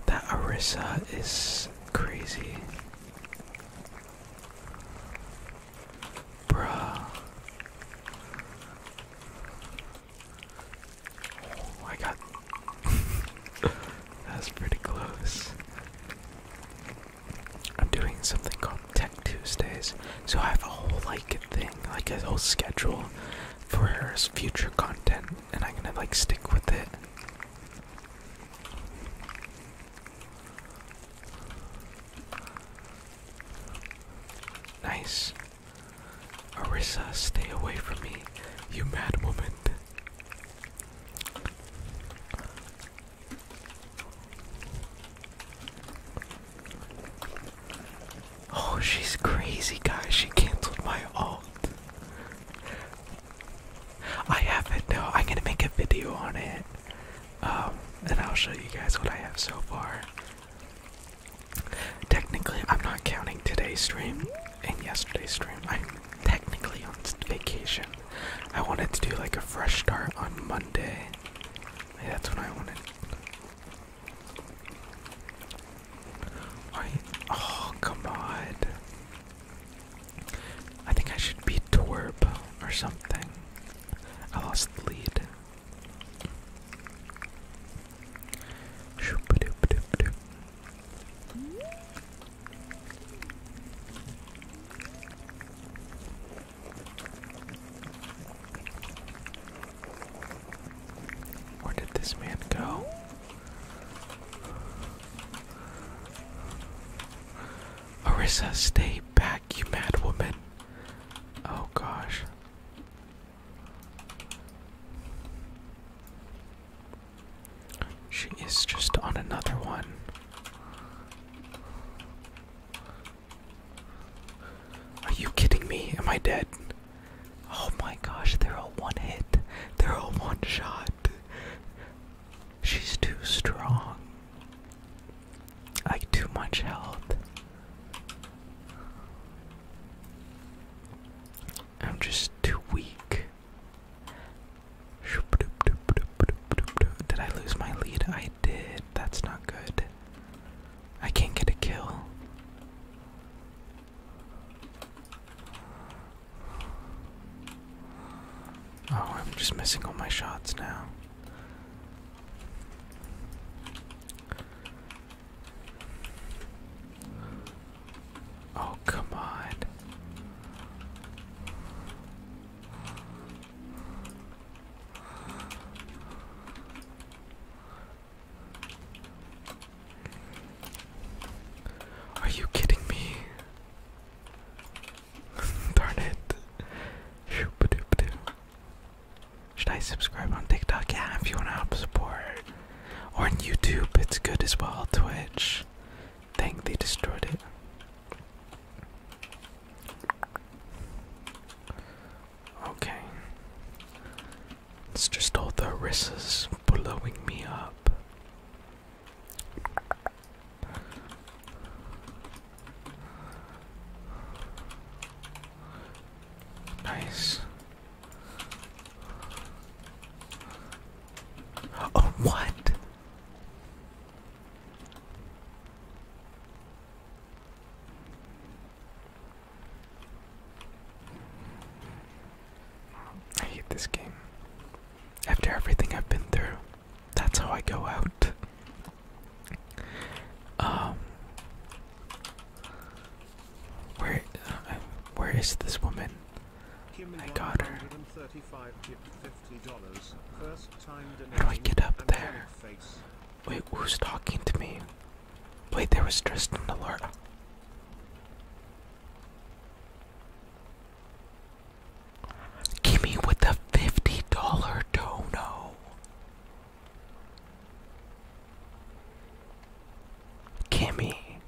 That Arissa is crazy. Bruh. Oh, I got. that pretty close. I'm doing something called Tech Tuesdays, so I have a whole like thing, like a whole schedule for her future content, and I'm gonna like stick with it. Nice. Orissa, stay away from me, you mad woman. Oh, she's crazy, guys. She canceled my alt. I have it now. I'm gonna make a video on it. Um, and I'll show you guys what I have so far. Technically, I'm not counting today's stream and yesterday's stream technically on vacation. I wanted to do like a fresh start on Monday. that's what I wanted. Why? Oh, come on. I think I should be Twerp or something. I lost the lead. Where did this man go? Orissa, stay back, you mad woman. Oh gosh. She is just on another one. Are you kidding me? Am I dead? Oh my gosh, they're all one hit. They're all one shot. She's too strong. Like, too much health. I'm just too weak. Did I lose my lead? I did. That's not good. I can't get a kill. Oh, I'm just missing all my shots now. Oh, come on. Are you kidding me? Darn it. Should I subscribe on TikTok? Yeah, if you want to help support. Or on YouTube, it's good as well. Twitch. Dang, they destroyed it. Okay. It's just all the Orissas blowing me up. Nice. Oh, what? I hate this game. After everything I've been through, that's how I go out. Um, where, uh, where is this woman? I got her. How do I get up there? Wait, who's talking to me? Wait, there was Tristan Alert. Gimme with a $50 dono. Gimme.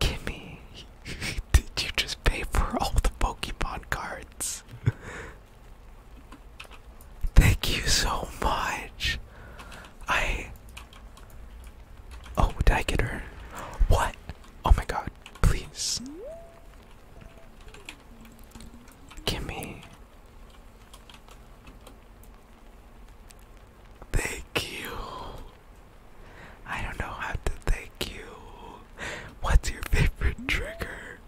Kimmy, did you just pay for all the Pokemon cards? Thank you so much. I. Oh, did I get her? What? Oh my god, please. Kimmy. Thank you. I don't know how to thank you. What's your favorite trigger?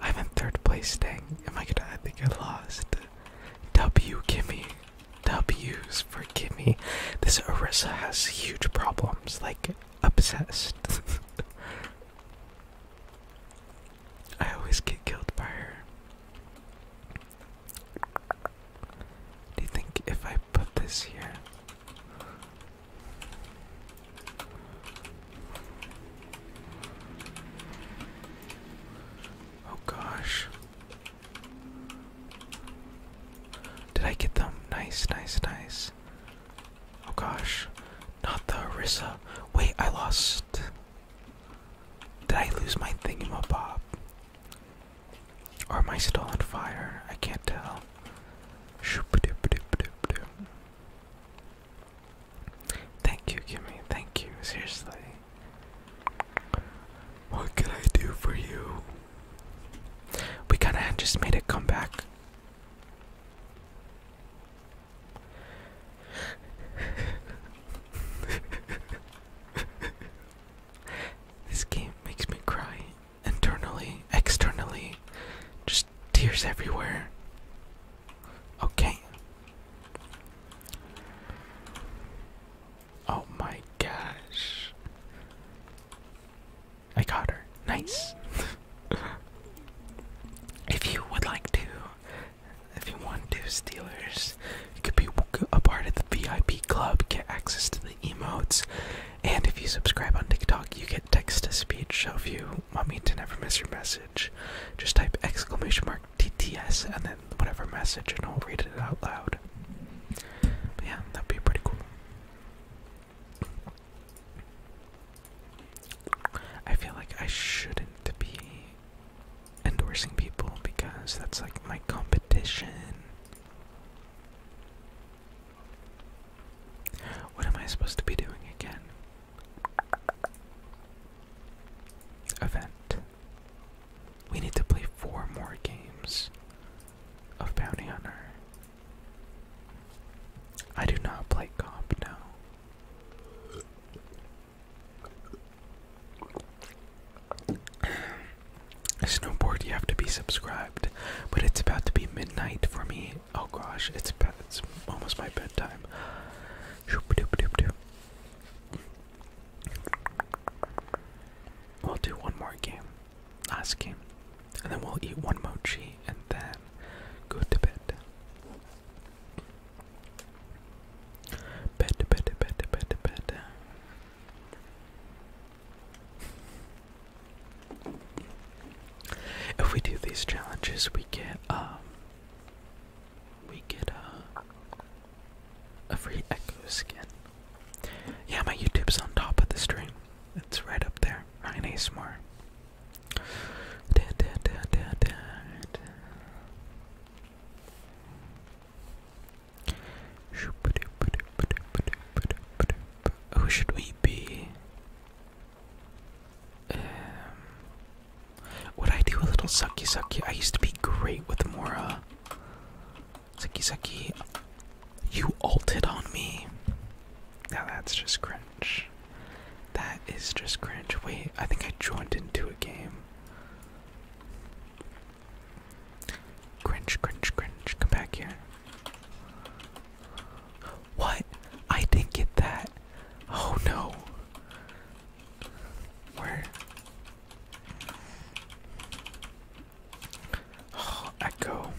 I'm in third place, dang. Am oh I gonna? I think I lost. W, gimme. W's for gimme. This Orisa has huge problems, like obsessed. I always get killed by her. Do you think if I put this here? Oh gosh. Did I get them? Nice, nice, nice. Oh gosh. Not the Orisa. Wait, I lost. Did I lose my thingamabob? Or am I still on fire? I can't tell. Thank you, Kimmy. Thank you. Seriously. What can I do for you? We kinda just made a comeback. This game makes me cry internally, externally, just tears everywhere. Okay. Oh my gosh. I got her. Nice. if you would like to, if you want to, Steelers, this. You could be a part of the VIP club, get access to the emotes, and if you subscribe on TikTok, you get text to speech. So if you want me to never miss your message, just type exclamation mark TTS and then whatever message, and I'll read it out loud. yeah, that'd be pretty cool. I feel like I shouldn't be endorsing people because that's like my competition. What am I supposed to be doing again? Event. We need to play four more games of Bounty Hunter. I do not play comp now. Snowboard, you have to be subscribed, but it's about to be midnight for me. Oh gosh, it's it's almost my bedtime. We'll do one more game, last game, and then we'll eat one mochi and then go to bed. Bed, bed, bed, bed, bed. If we do these challenges, we get um, we get uh, a free echo skin. Yeah, my YouTube's on top of the stream. It's right up there. Ryan ASMR. Da, da, who should we be? Um, would I do a little sucky sucky? I used to be great with Mora. Sucky sucky, you alted on me. Now that's just cringe. That is just cringe. Wait, I think I joined into a game. Cringe, cringe, cringe. Come back here. What? I didn't get that. Oh no. Where? Oh, echo.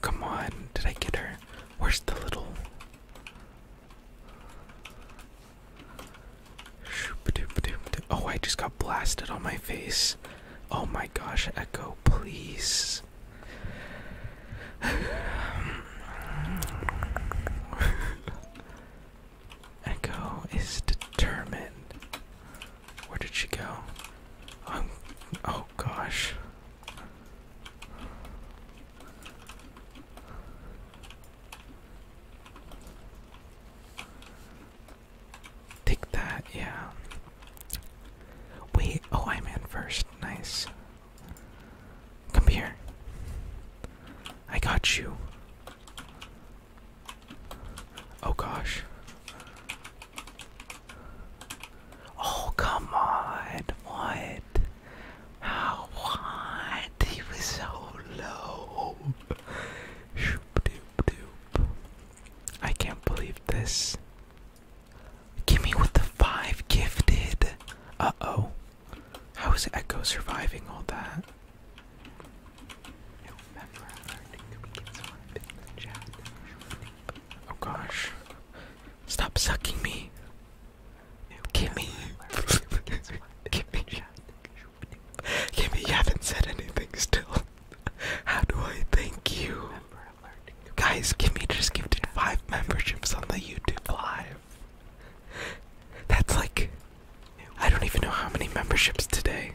Come on, did I get her? Where's the little? Oh, I just got blasted on my face. Oh my gosh, Echo, please. Echo is determined. Where did she go? Um, oh gosh. Take that, yeah. Wait, oh, I'm in first. Nice. Come here. I got you. Oh gosh. Oh, come on. What? How? What? He was so low. I can't believe this. Gimme with the five gifted. Uh oh. How is Echo surviving all that? Oh gosh. Stop sucking me. Give me. Give You haven't said anything still. How do I thank you? Guys, Kimmy just gifted five memberships on the YouTube Live. That's like. I don't even know how many memberships today.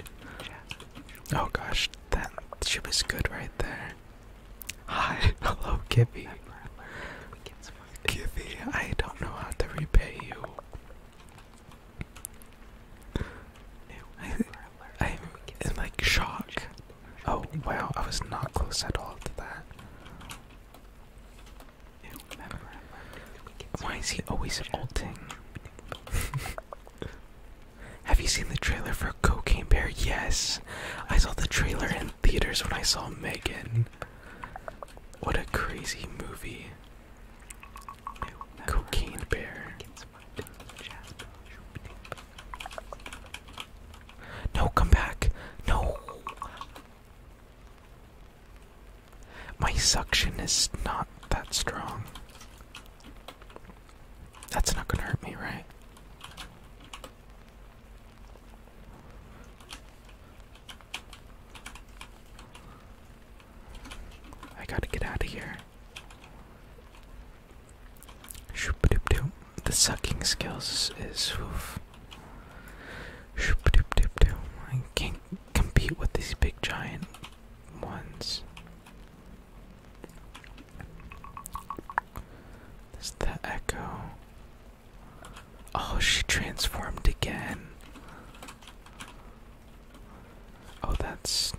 Oh gosh, that she was good right there. Hi, hello, Gibby. Gibby, I don't know how to repay you. I, I'm in like shock. Oh wow, I was not close at all to that. Why is he always ulting? Have you seen the trailer for Cocaine Bear? Yes, I saw the trailer in theaters when I saw Megan. What a crazy movie! Cocaine Bear. No, come back. No. My suction is not that strong. That's not gonna hurt me, right? I gotta get out of here. Shoop-a-doop-doop. The sucking skills is oof. Shoop-a-doop-doop-doop. I can't compete with these big giant ones. Is the echo. Oh, she transformed again. Oh, that's.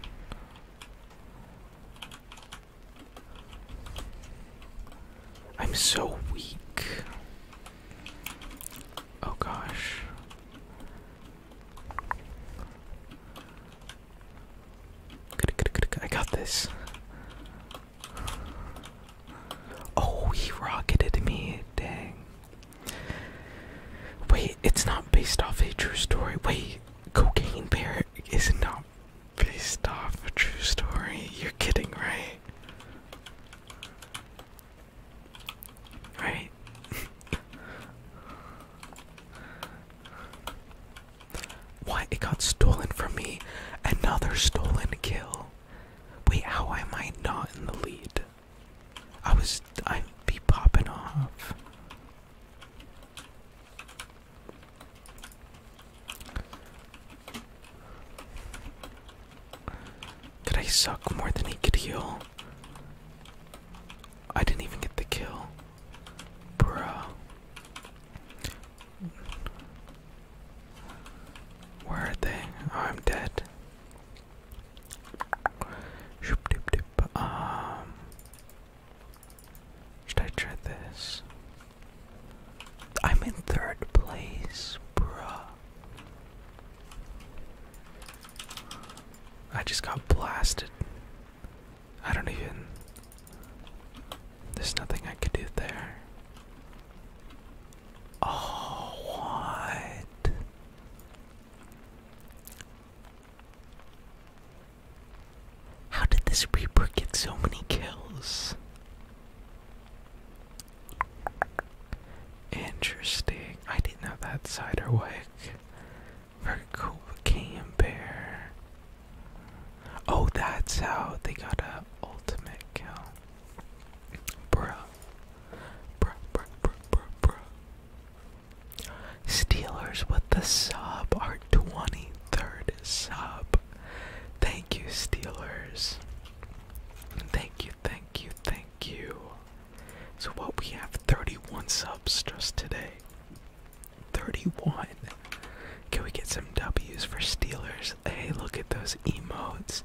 I'm so weak. Oh gosh. I got this. Oh, he rocketed me. Dang. Wait, it's not based off a true story. Wait, Cocaine Bear is not based off a true story. You're kidding, right? Right? Why It got stolen from me. Another stolen kill. Wait, how am I not in the lead? I was. I'd be popping off. Could I suck more than he could heal? I didn't even get the kill. Bruh. Where are they? I'm dead. Um, should I try this? I'm in third place, bruh. I just got blasted. I don't even. There's nothing I could do there. Oh, what? How did this Reaper get so many kills? Interesting. I didn't know that cider wick. Very cool. Cam Oh, that's how they got a ultimate kill. Bruh. Bruh, bruh, bruh, bruh, bruh. Steelers with the sub, our 23rd sub. Thank you, Steelers. Thank you, thank you, thank you. So, what we have 31 subs just today. 31. Can we get some W's for Steelers? Hey, look at those emotes.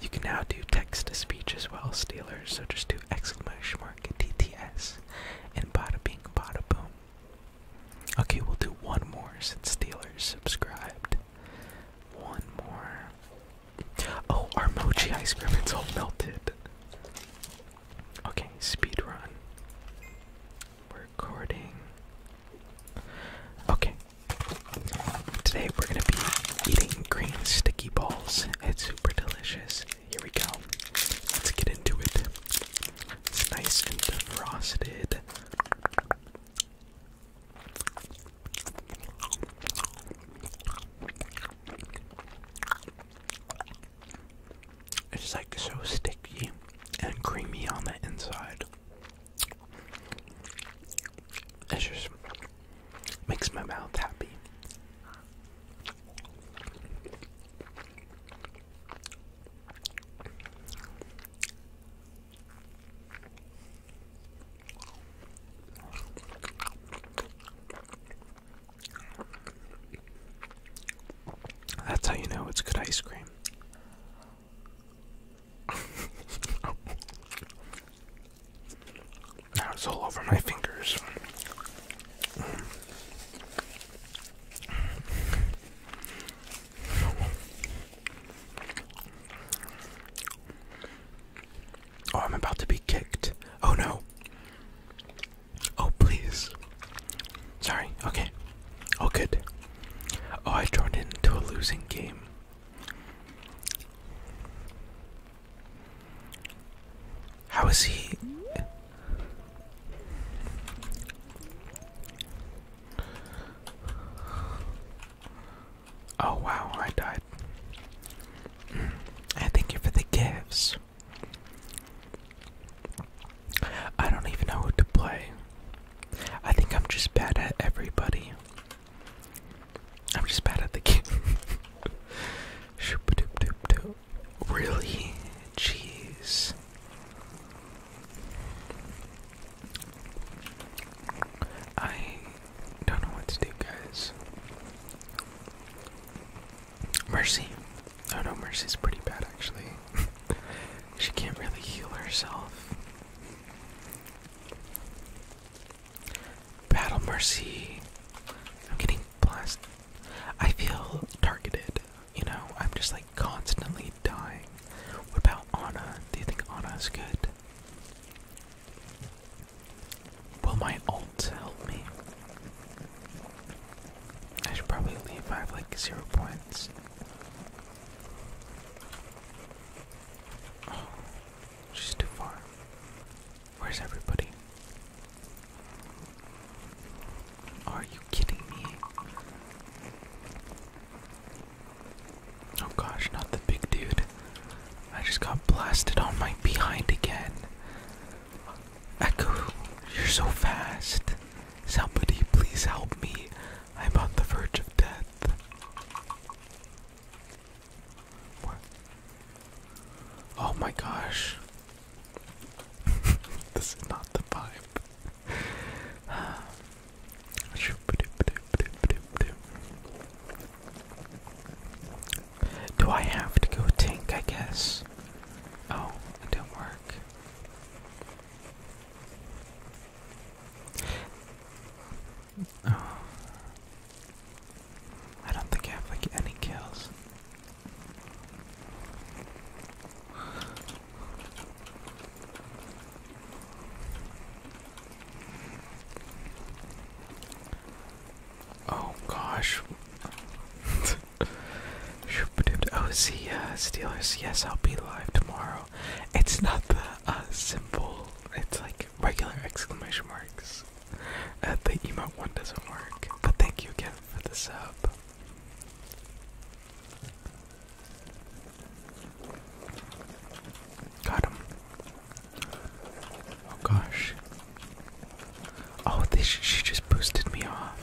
You can now do text to speech as well, Steelers. So just do exclamation mark TTS and bada bing bada boom. Okay, we'll do one more since Steelers subscribed. One more. Oh, our mochi ice cream, it's all melted. Okay, speed run recording. Okay. Today we're gonna be eating green sticky balls. It's super delicious. Here we go. Let's get into it. It's nice and frosted. It's like so sticky and creamy on the inside. It just makes my mouth happy. That's how you know it's good ice cream now all over my fingers. Oh, I'm about to be kicked. Oh no. Oh, please. Sorry, okay. All good. Oh, I joined into a losing game. How is he? Oh wow, I died. I thank you for the gifts. I don't even know who to play. I think I'm just bad at everybody. I'm just bad at the game. really? Jeez. I don't know what to do, guys. Mercy. Oh no, Mercy's pretty bad actually. She can't really heal herself. Battle Mercy. I'm getting blasted. I feel targeted, you know? I'm just like constantly dying. What about Ana? Do you think Ana's good? Will my ult help me? I should probably leave. I have like zero points. Oh, she's too far. Where's everybody? Are you kidding me? Oh gosh, not the big dude. I just got blasted on my behind again. Echo, you're so fast. Somebody please help me. I'm on the verge of death. What? Oh my gosh. this is not the vibe. Do I have to go tank, I guess? Oh, it didn't work. Oh. I don't think I have like any kills. Oh gosh. oh, see, uh, Steelers. Yes, I'll be live tomorrow. It's not the uh, simple. It's like regular exclamation marks. the emote one doesn't work. But thank you again for the sub. Got him. Oh gosh. Oh, this she just boosted me off.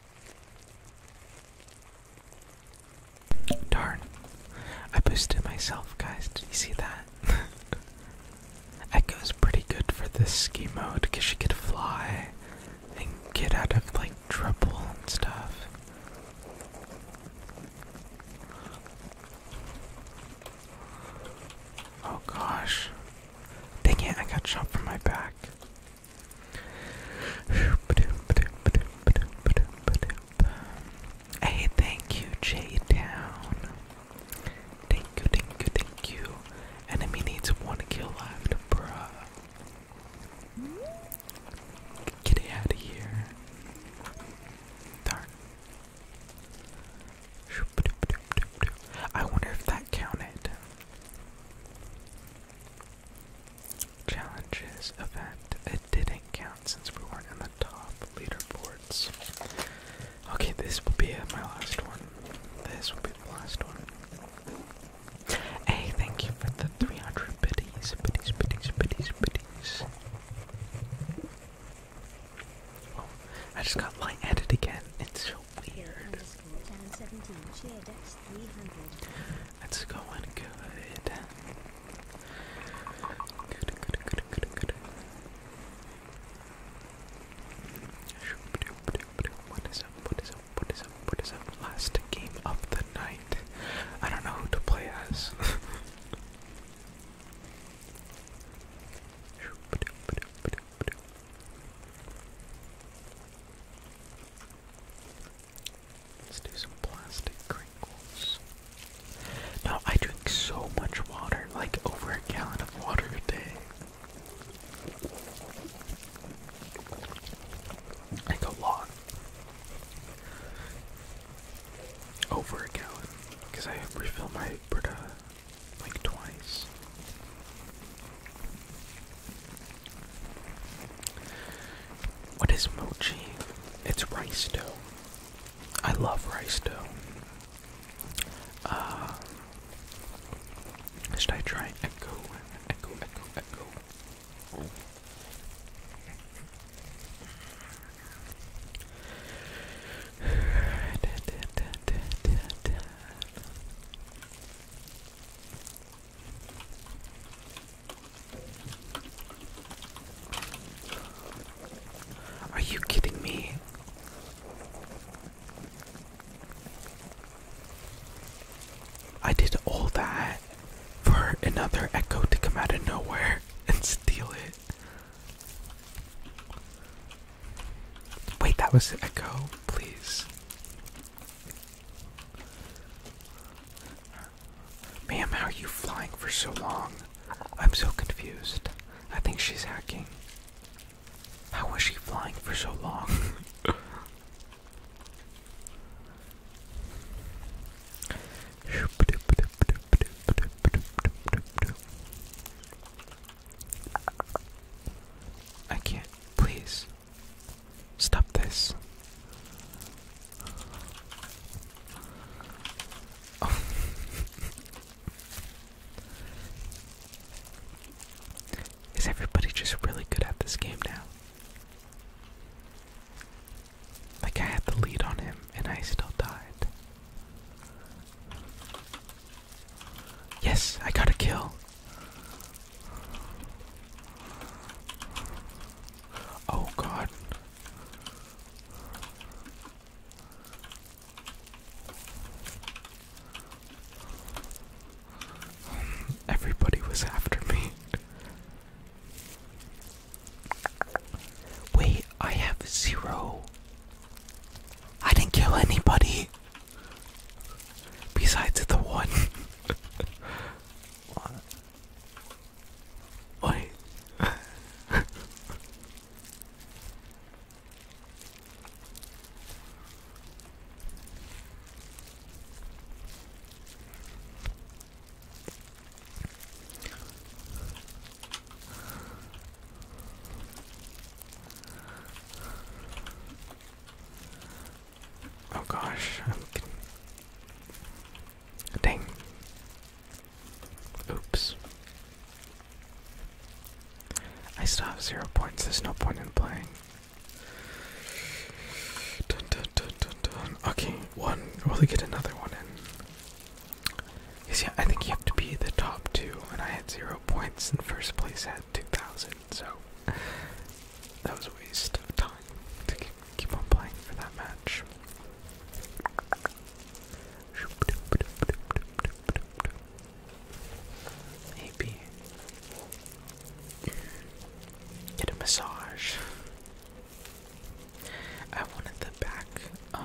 Darn. I boosted myself, guys. Did you see that? Echo's pretty good for this ski mode because she could fly and get out of like trouble and stuff. Oh gosh. Dang it, I got shot from my back. Hey, thank you, J Down. Thank you, thank you, thank you. Enemy needs one kill left, bruh. Get out of here. Darn. I wonder if that counted. Challenges event. It didn't count since we weren't in the top leaderboards. Okay, this will be my last one. This will be the last one. Hey, thank you for the 300 biddies, biddies, biddies, biddies, biddies. Oh, I just got lightheaded again. It's so weird. It's going good. Good, good, good, good, good. What is up? What is up? What is up? What is up? Last game of the night. I don't know who to play as. Let's do some plastic crinkles. Now, I drink so much water, like over a gallon of water a day. Like a lot. Over a gallon, because I refill my Brita like twice. What is mochi? It's rice dough. I love rice dough. Uh, should I try echo? Echo, echo, echo. Are you kidding me? I did all that for another echo to come out of nowhere and steal it. Wait, that was echo, please. Ma'am, how are you flying for so long? I'm so confused. I think she's hacking. How was she flying for so long? I can't. Please. Stop this. Is everybody just really good at this game now? Like, I had the lead on him and I still died. Yes, I got a kill. Oh god. Everybody was after me. Wait, I have zero. I didn't kill anybody besides the one. What? oh gosh, Dang. Oops. I still have zero points. There's no point in playing. Okay, one. Will we get another one in? yeah, I think you have to be the top two, and I had zero points in first place. had 2,000, so that was a waste of time to keep on playing for that match. Maybe get a massage. I wanted the back um,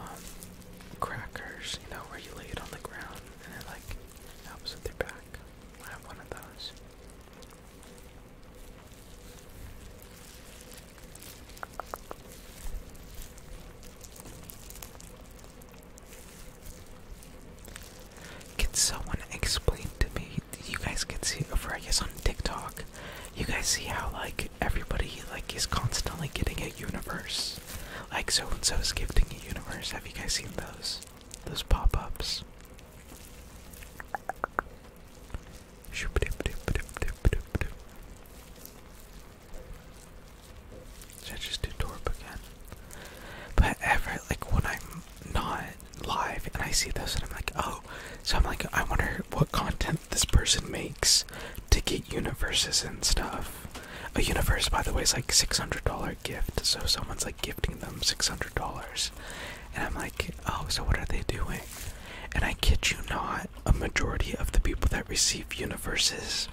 crackers, you know, where you lay it on the ground and it like helps with your back. I have one of those. Can someone explain to me? You guys can see over, I guess, on TikTok. You guys see how like everybody like is constantly getting a universe. Like so and so is gifting a universe. Have you guys seen those? Those pop-ups. Should I just do Torp again? But ever, like when I'm not live and I see those and I'm like, oh, so I'm like, I wonder what content this person makes to get universes and stuff. A universe, by the way, is like $600 gift, so someone's like gifting them $600. And I'm like, oh, so what are they doing? And I kid you not, a majority of the people that receive universes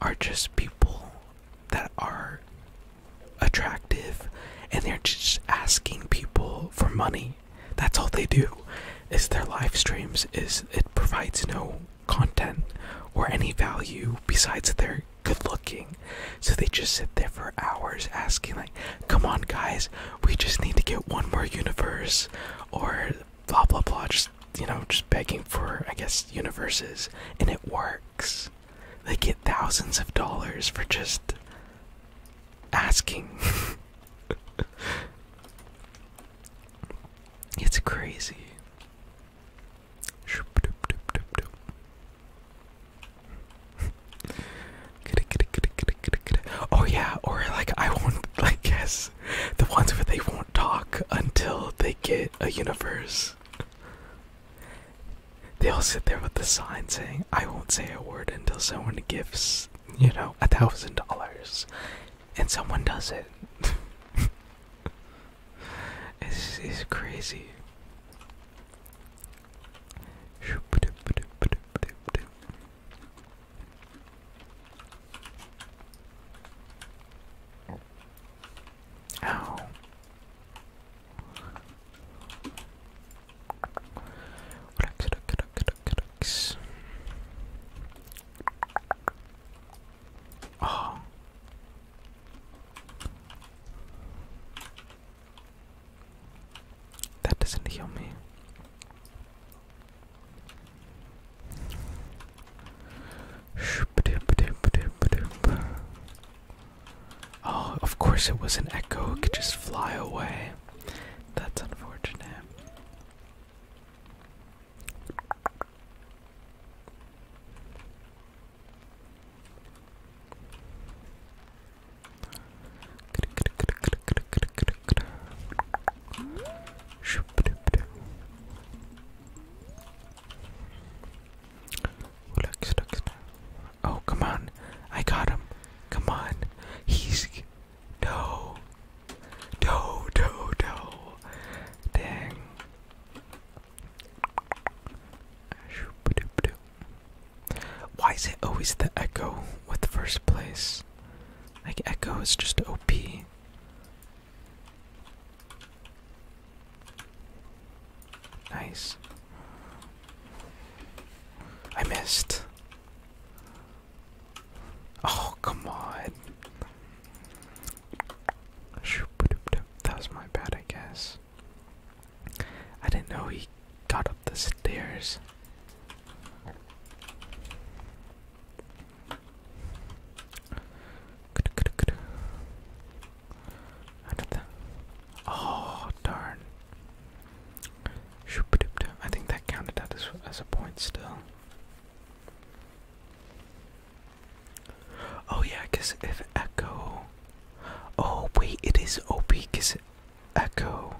are just people that are attractive and they're just asking people for money. That's all they do. Is their live streams is it provides no content or any value besides they're good looking. So they just sit there for hours asking come on, guys, we just need to get one more universe, or blah blah blah. Just you know, just begging for, I guess, universes, and it works. They get thousands of dollars for just asking. it's crazy. Oh yeah, or like I won't like guess the ones where they won't talk until they get a universe. They all sit there with the sign saying, I won't say a word until someone gives, you know, a thousand dollars. And someone does it. This is crazy. Ow. Relax, relax, relax, relax. Oh. That doesn't heal me. Oh, of course it was an echo. It could just fly away. That's unfortunate. Relax, relax. Oh, come on. I got him. Come on. He's. No. No, no, no. Dang. Why is it always the echo with first place? Like, Echo is just OP. Nice. I missed. Oh, come on. That was my bad, I guess. I didn't know he got up the stairs. Oh darn! I think that counted that as as a point still. Oh yeah, cause if echo. Oh wait, it is OP cause Echo,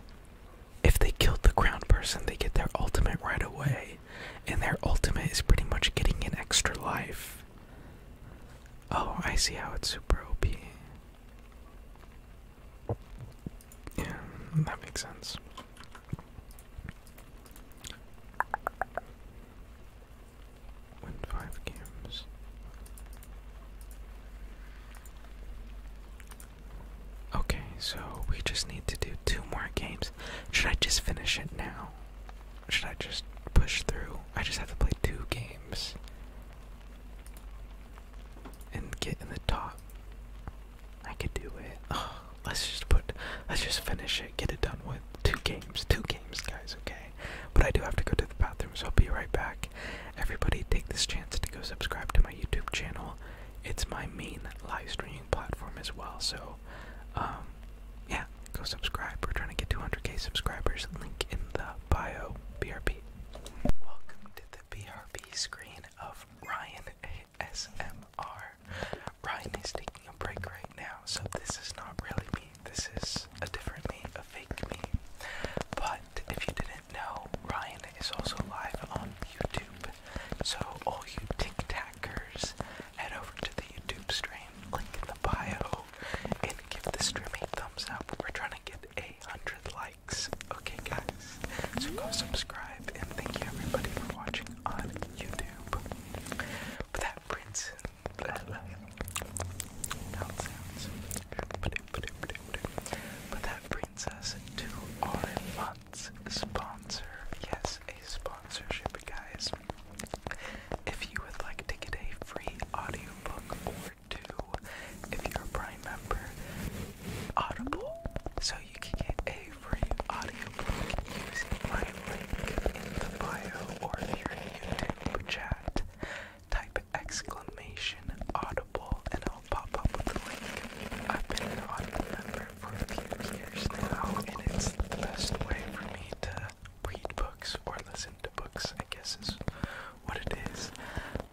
if they killed the crown person, they get their ultimate right away, and their ultimate is pretty much getting an extra life. Oh, I see how it's super OP. Yeah, that makes sense. Win five games. Okay, so we just need to do two more games. Should I just finish it now? Should I just push through? I just have to play two games and get in the top. I could do it. let's just put let's just finish it, get it done with. Two games, two games guys, okay? But I do have to go to the bathroom, so I'll be right back. Everybody take this chance to go subscribe to my YouTube channel it's my main live streaming platform as well. So, um, yeah, go subscribe. We're trying to get 200k subscribers. Link in the bio. BRB. Welcome to the BRB screen of Ryan ASMR. Ryan is taking a break right now, so this is not really me. This is a different me, a fake me. But if you didn't no, Ryan is also live on YouTube. So all you tic tackers, head over to the YouTube stream, click in the bio, and give the stream a thumbs up. We're trying to get a hundred likes. Okay guys. So go subscribe and thank you everybody for watching on YouTube. But that Prince uh, but that brings us to our Let's sponsor. Yes, a sponsorship, guys. If you would like to get a free audiobook or two, if you're a Prime member, Audible. So you can get a free audiobook using my link in the bio or if you're in YouTube chat. Type exclamation audible and pop up with the link. I've been an audience member for a few years now, and it's the best way for me to read books or listen to books, I guess is what it is.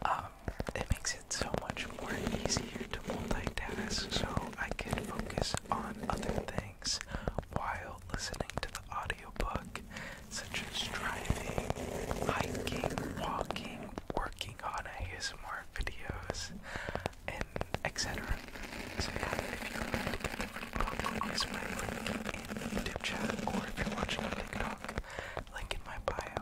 Um, it makes it so much more easier to multitask so I can focus on other things while listening to the audiobook, such as driving, hiking, walking, working on ASMR videos etc. So yeah, if you're on this way, YouTube or if you're watching on TikTok, link in my bio.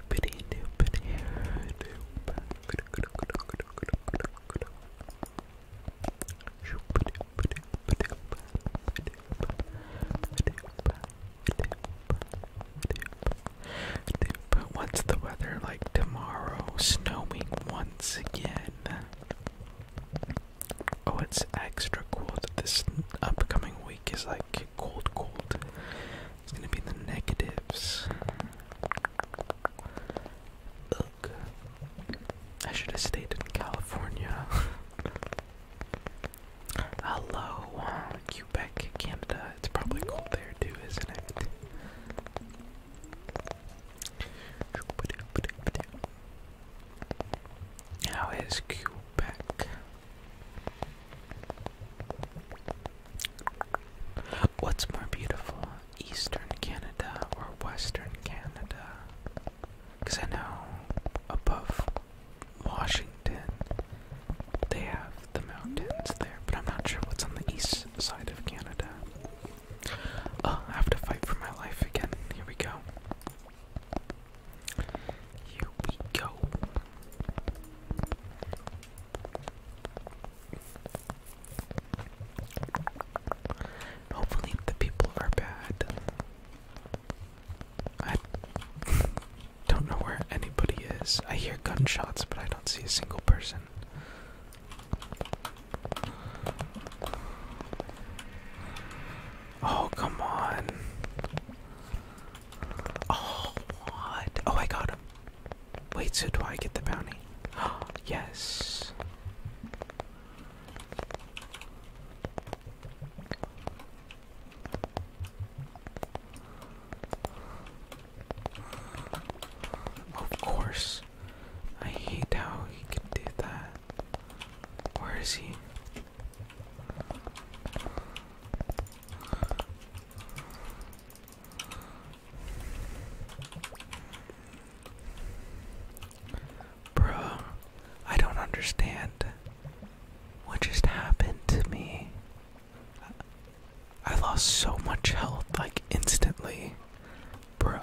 doopity What's the weather like tomorrow? Snowing once again. Oh, it's extra cool that this upcoming week is like cold, cold. It's gonna be the negatives. Look, I should have stayed in California. Hello, Quebec, Canada. It's probably cold there too, isn't it? How is Quebec? What's more beautiful, Eastern Canada or Western Canada? Because I know above Washington they have the mountains there, but I'm not sure what's on the east side of Canada. Oh, have to fight for my life again. Here we go. Here we go. Hopefully, the people are bad. I don't know where anybody is. I hear gunshots, but I don't see a single person. Oh, come on. Oh, what? Oh, I got him. Wait, so do I get the bounty? yes. Of course. I hate how he can do that. Where is he? Bruh, I don't understand what just happened to me. I lost so much health, like instantly. Bruh.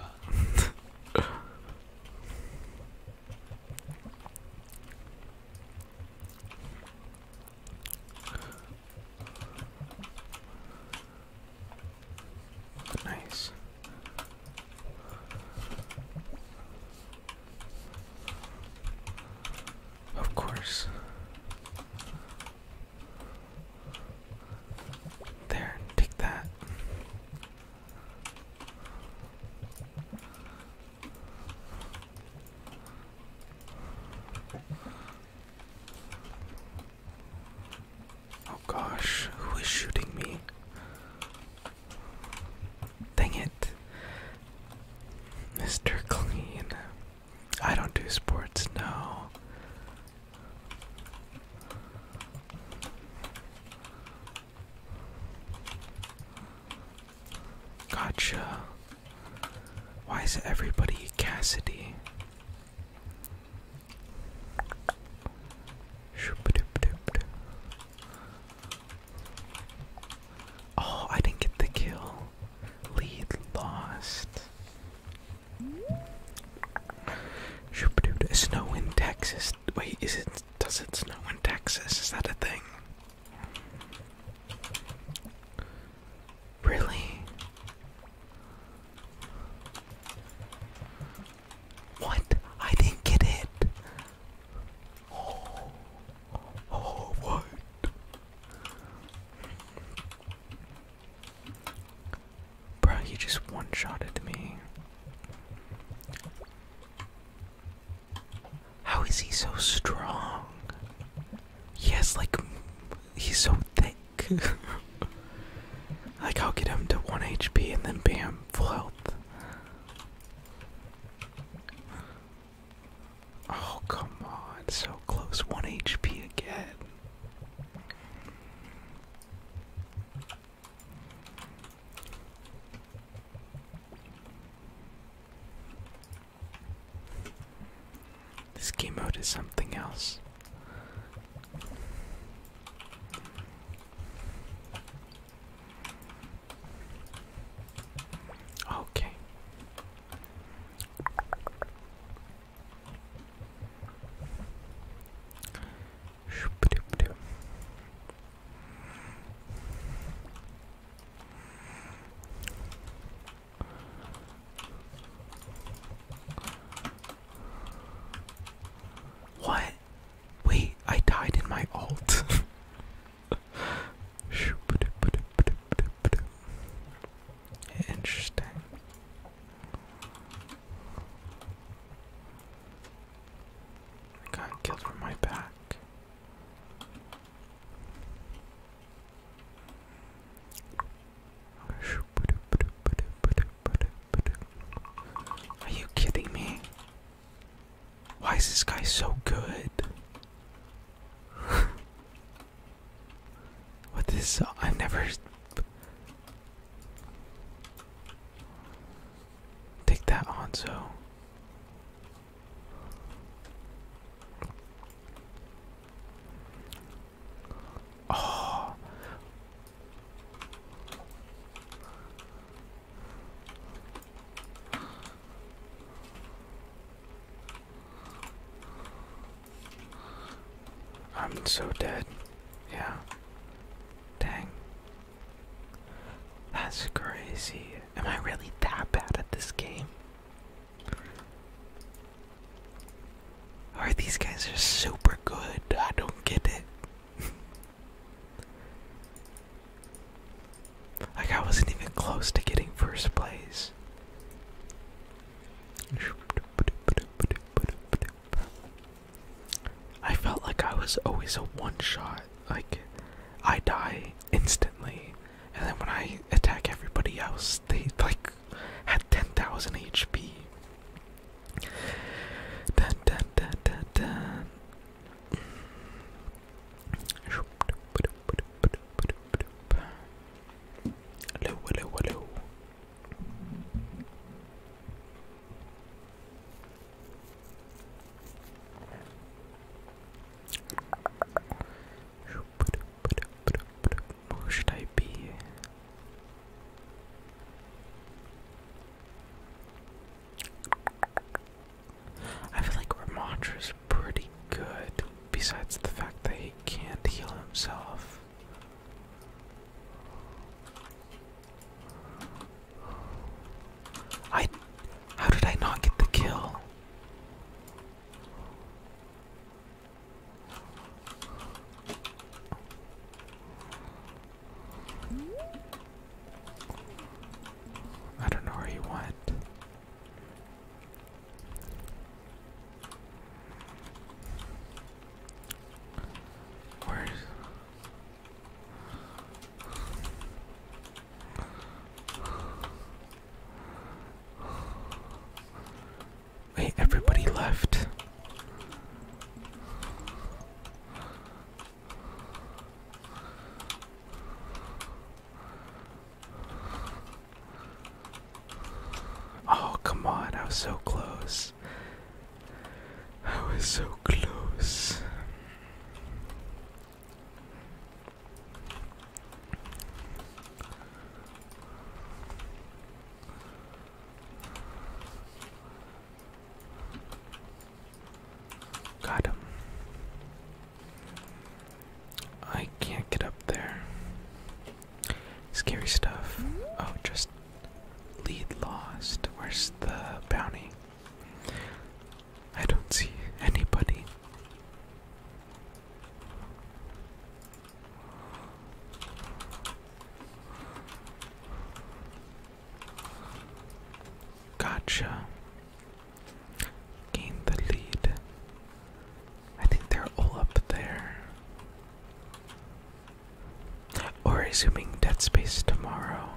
Nice. Of course. There, take that. Oh gosh, who is shooting me? Dang it. Mr. Clean. I don't do sports, no. Gotcha. Why is everybody Cassidy? Oh, I didn't get the kill. Lead lost. Snow in Texas. Wait, is it? Does it snow in Texas? Is that a thing? Really? What? I didn't get it. Oh, oh what? Bro, you just one-shotted me. How is he so strong? He has like he's so thick. like I'll get him to one HP and then bam, full health. Oh come on, so close. One HP again. This game mode is something else. Okay. What? Wait, I died in my alt. Interesting. got killed from my back. Are you kidding me? Why is this guy so good? what is I've never Take that on, so. Oh. I'm so dead. Yeah. Dang. That's crazy. Am I really that bad at this game? these guys are super good. I don't get it. like I wasn't even close to getting first place. I felt like I was always a one shot. Like I die instantly, and then when I attack everybody else, they like at 10,000 HP. Dun, dun, dun, dun, dun. Hello, hello, hello. Where should I be? I feel like Ramondra's pretty good, besides the fact that he can't heal himself. I. How did I not get the kill? I don't know where he went. Where's Wait, everybody left. Oh, come on, I was so close. I was so close. Got I can't get up there. Scary stuff. Oh, just lead lost. Where's the bounty? I don't see anybody. Gotcha. Gain the lead. I think they're all up there. Or resuming Dead Space tomorrow.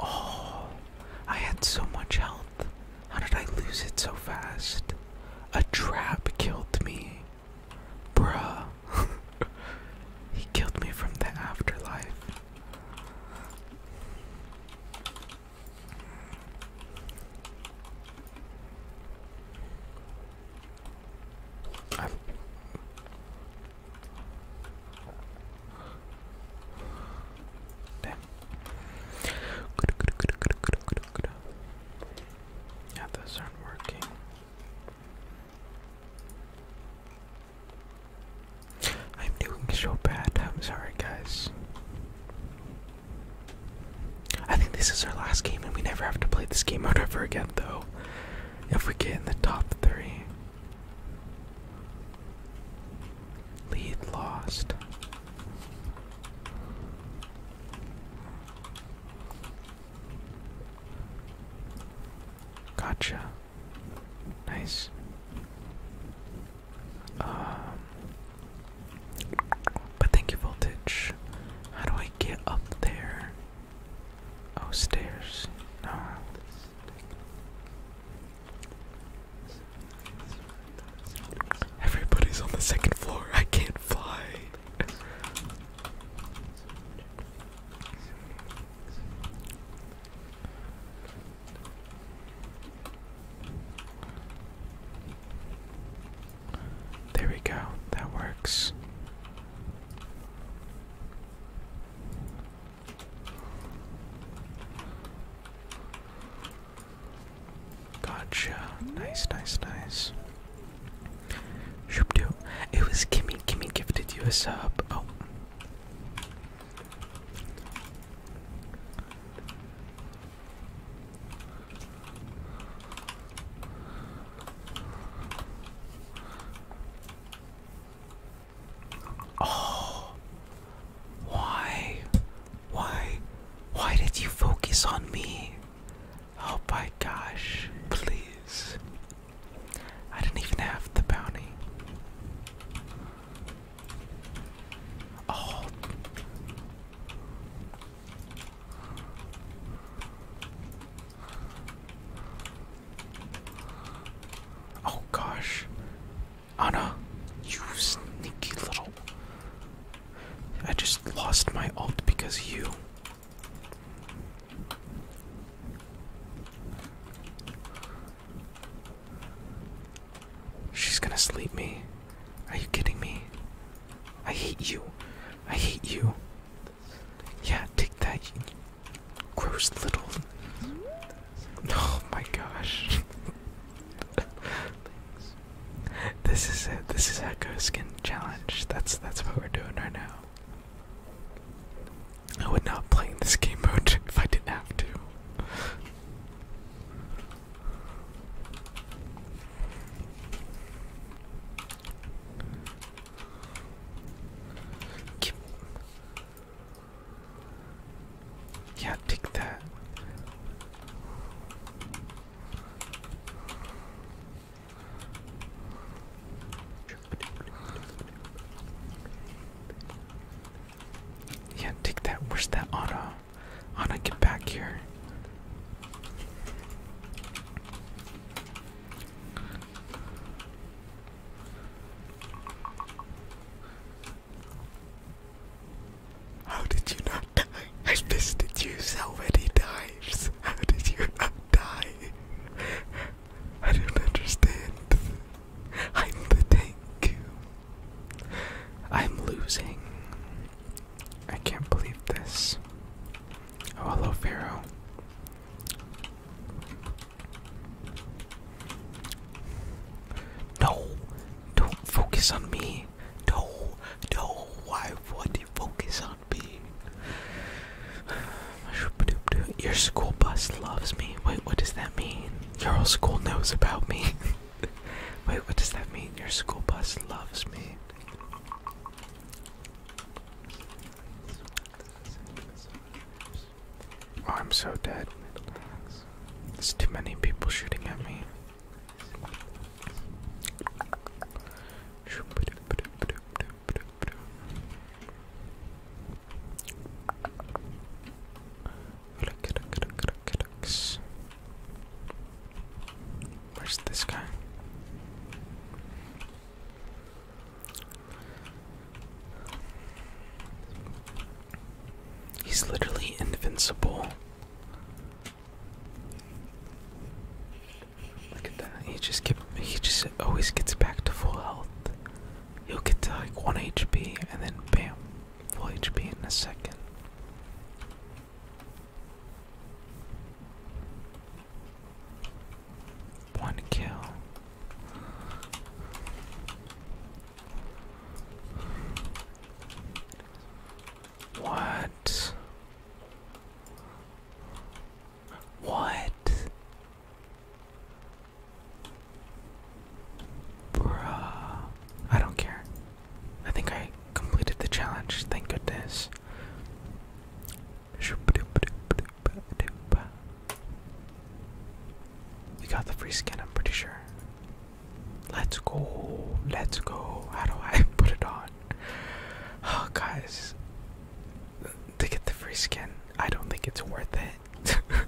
Oh, I had so much health. How did I lose it so fast? A trap killed me. Bruh. he killed me from the afterlife. Yeah, those aren't working. I'm doing so bad. I'm sorry, guys. I think this is our last game, and we never have to play this game out ever again, though. If we get in the top three, Lead lost. Gotcha. Nice. Um, but thank you, Voltage. How do I get up there? Oh, stairs. No. Everybody's on the second floor. I can't fly. There we go. That works. Gotcha. Nice, nice, nice. Shoop do. It was Kimmy. Kimmy gifted you a sub. Oh. Oh, why? Why? Why did you focus on me? Oh my gosh, please. I didn't even have the bounty. Oh. Oh gosh. Anna, you sneaky little. I just lost my alt because you. She's gonna sleep me. Are you kidding me? I hate you. I hate you. Yeah, take that. Gross little. Oh my gosh. this is it. This is Echo Skin Challenge. That's that's what we're doing right now. I would not play this game mode if I didn't have to. Keep yeah, take that. Yeah, take that. Where's that Anna? Anna, get back here. How did you not die? I visited you so many times. How did you not die? I don't understand. I'm the tank. I'm losing. I can't believe this. Oh, hello, Pharaoh. No, don't focus on me. No, no, why do you focus on me? Your school bus loves me. Wait, what does that mean? Your school knows about me. Wait, what does that mean? Your school bus loves me. Oh, I'm so dead. There's too many people shooting at me. Where's this guy? He's literally invincible. Look at that. He just kept, he just always gets back to full health. He'll get to like 1 HP and then bam, full HP in a second. One kill. What? What? Bruh. I don't care. I think I completed the challenge, thank goodness. We got the free skin, I'm pretty sure. Let's go. Let's go. How do I put it on? Oh, guys. To get the free skin, I don't think it's worth it.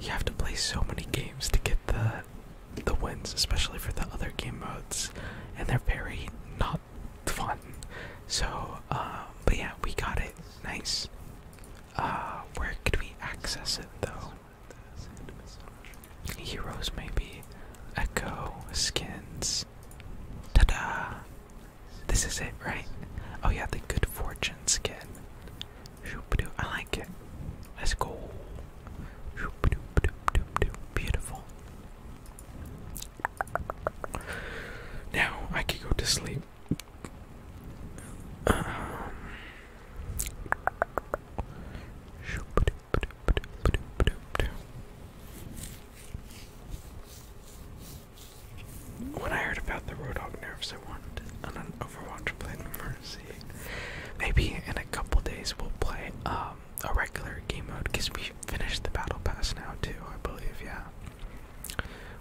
you have to play so many games to get the the wins, especially for the other game modes, and they're very not fun. So, uh, but yeah, we got it. Nice. Uh, where could we access it though? Heroes maybe. Echo skins. Ta-da! This is it, right? Oh yeah, the good fortune skin. I like it. Let's go. Beautiful. Now I can go to sleep. Um, when I heard about the Rodog nerfs, I wanted an, an Overwatch to play Mercy. Maybe in a couple days we'll play um, a regular game mode because we finished the battle pass now too, I believe, yeah.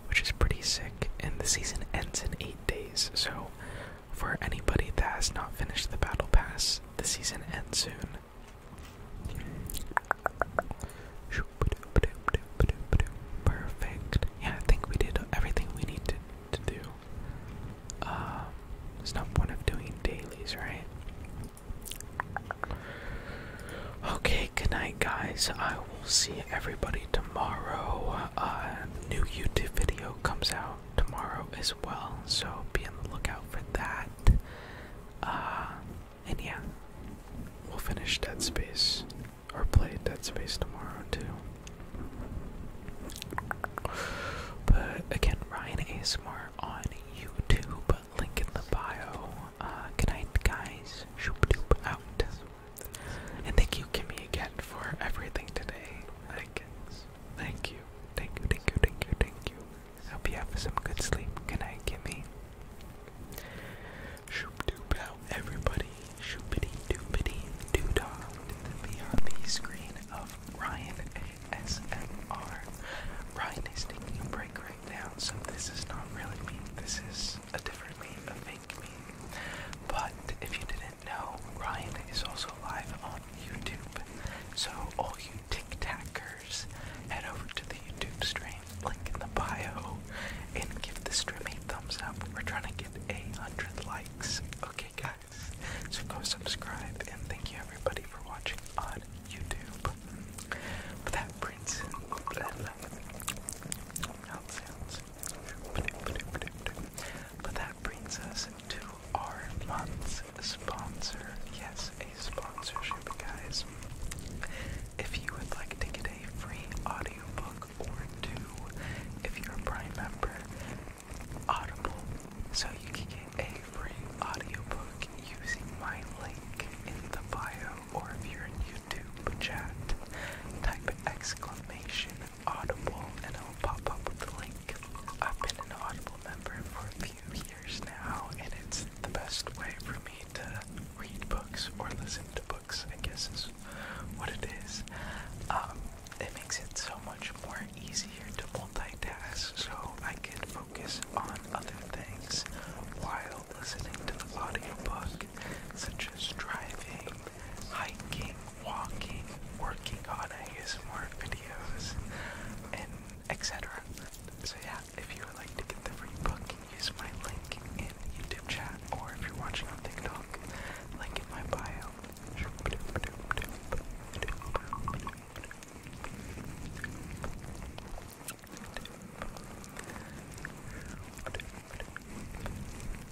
Which is pretty sick, and the season ends in eight days, so for anybody that has not finished the battle pass, the season ends soon. Perfect. Yeah, I think we did everything we need to, do. Uh, there's no point of doing dailies, right? Okay, good night, guys. I will see everybody tomorrow. Uh, new YouTube video comes out tomorrow as well, so be on the lookout for that. Uh, and yeah, we'll finish Dead Space or play Dead Space tomorrow too. But again, Ryan ASMR on YouTube, link in the bio. Uh, good night, guys. Shoop doop out. And thank you, Kimmy, again for everything today. I guess. Thank you. Thank you, thank you, thank you, thank you. Hope you have some good sleep. Good night, Kimmy. Shoop doop out, everybody. Shoopity doopity doo dah to the VRP screen of Ryan ASMR. Ryan is taking a break right now, so this is not really me. This is a different me of me. But if you didn't know, Ryan is also live on YouTube. So all you tic tackers, head over to the YouTube stream, link in the bio, and give the stream a thumbs up. We're trying to get a hundred likes. Okay guys. So go subscribe and thank you everybody for watching on YouTube. But that brings but that brings us to our month's sponsor. Yes, a sponsorship, guys. If you would like to get a free audiobook or two, if you're a Prime member, Audible. So you can get a free audiobook using my link in the bio, or if you're in YouTube chat, type exclamation Audible and it'll pop up with the link. I've been an Audible member for a few years now, and it's the best way for me to read books or listen to books, I guess is what it is. Um, it makes it so much more easier to multitask so I can focus on other things while listening to the audio book, such as driving hiking, walking, working on ASMR videos, and etc. So yeah, if you would like to get the free book, use my link in YouTube chat, or if you're watching on TikTok, link in my bio.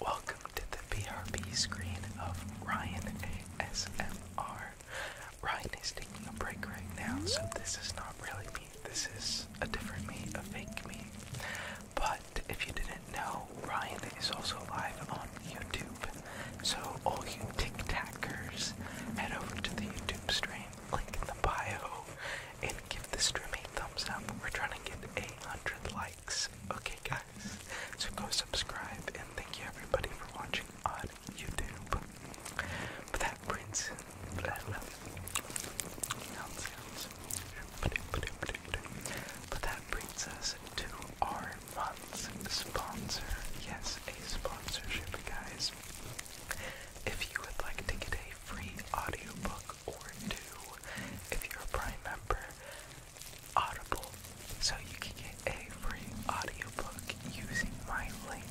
Welcome to the PRP screen of Ryan ASMR. Ryan is taking a break right now, so this is not really me. This is a different me, a fake me. But if you didn't know, Ryan is also live on YouTube. So all you tic tackers, head over to the YouTube stream, link in the bio, and give the stream a thumbs up. We're trying to get 800 likes. Okay guys. So go subscribe and thank you everybody for watching on YouTube. But that brings But that brings us to our month's sponsor. Yes, a sponsorship, guys. If you would like to get a free audiobook or two, if you're a Prime member, Audible. So you can get a free audiobook using my link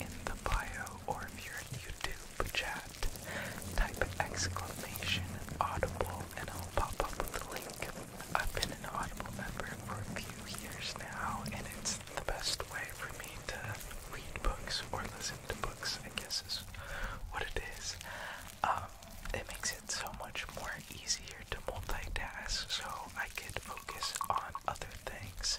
in the bio or if you're in YouTube chat, type exclamation audible and it'll pop up with the link. I've been an audible member for a few years now and it's the best way for me to read books or listen to books, I guess is what it is. Um, it makes it so much more easier to multitask so I could focus on other things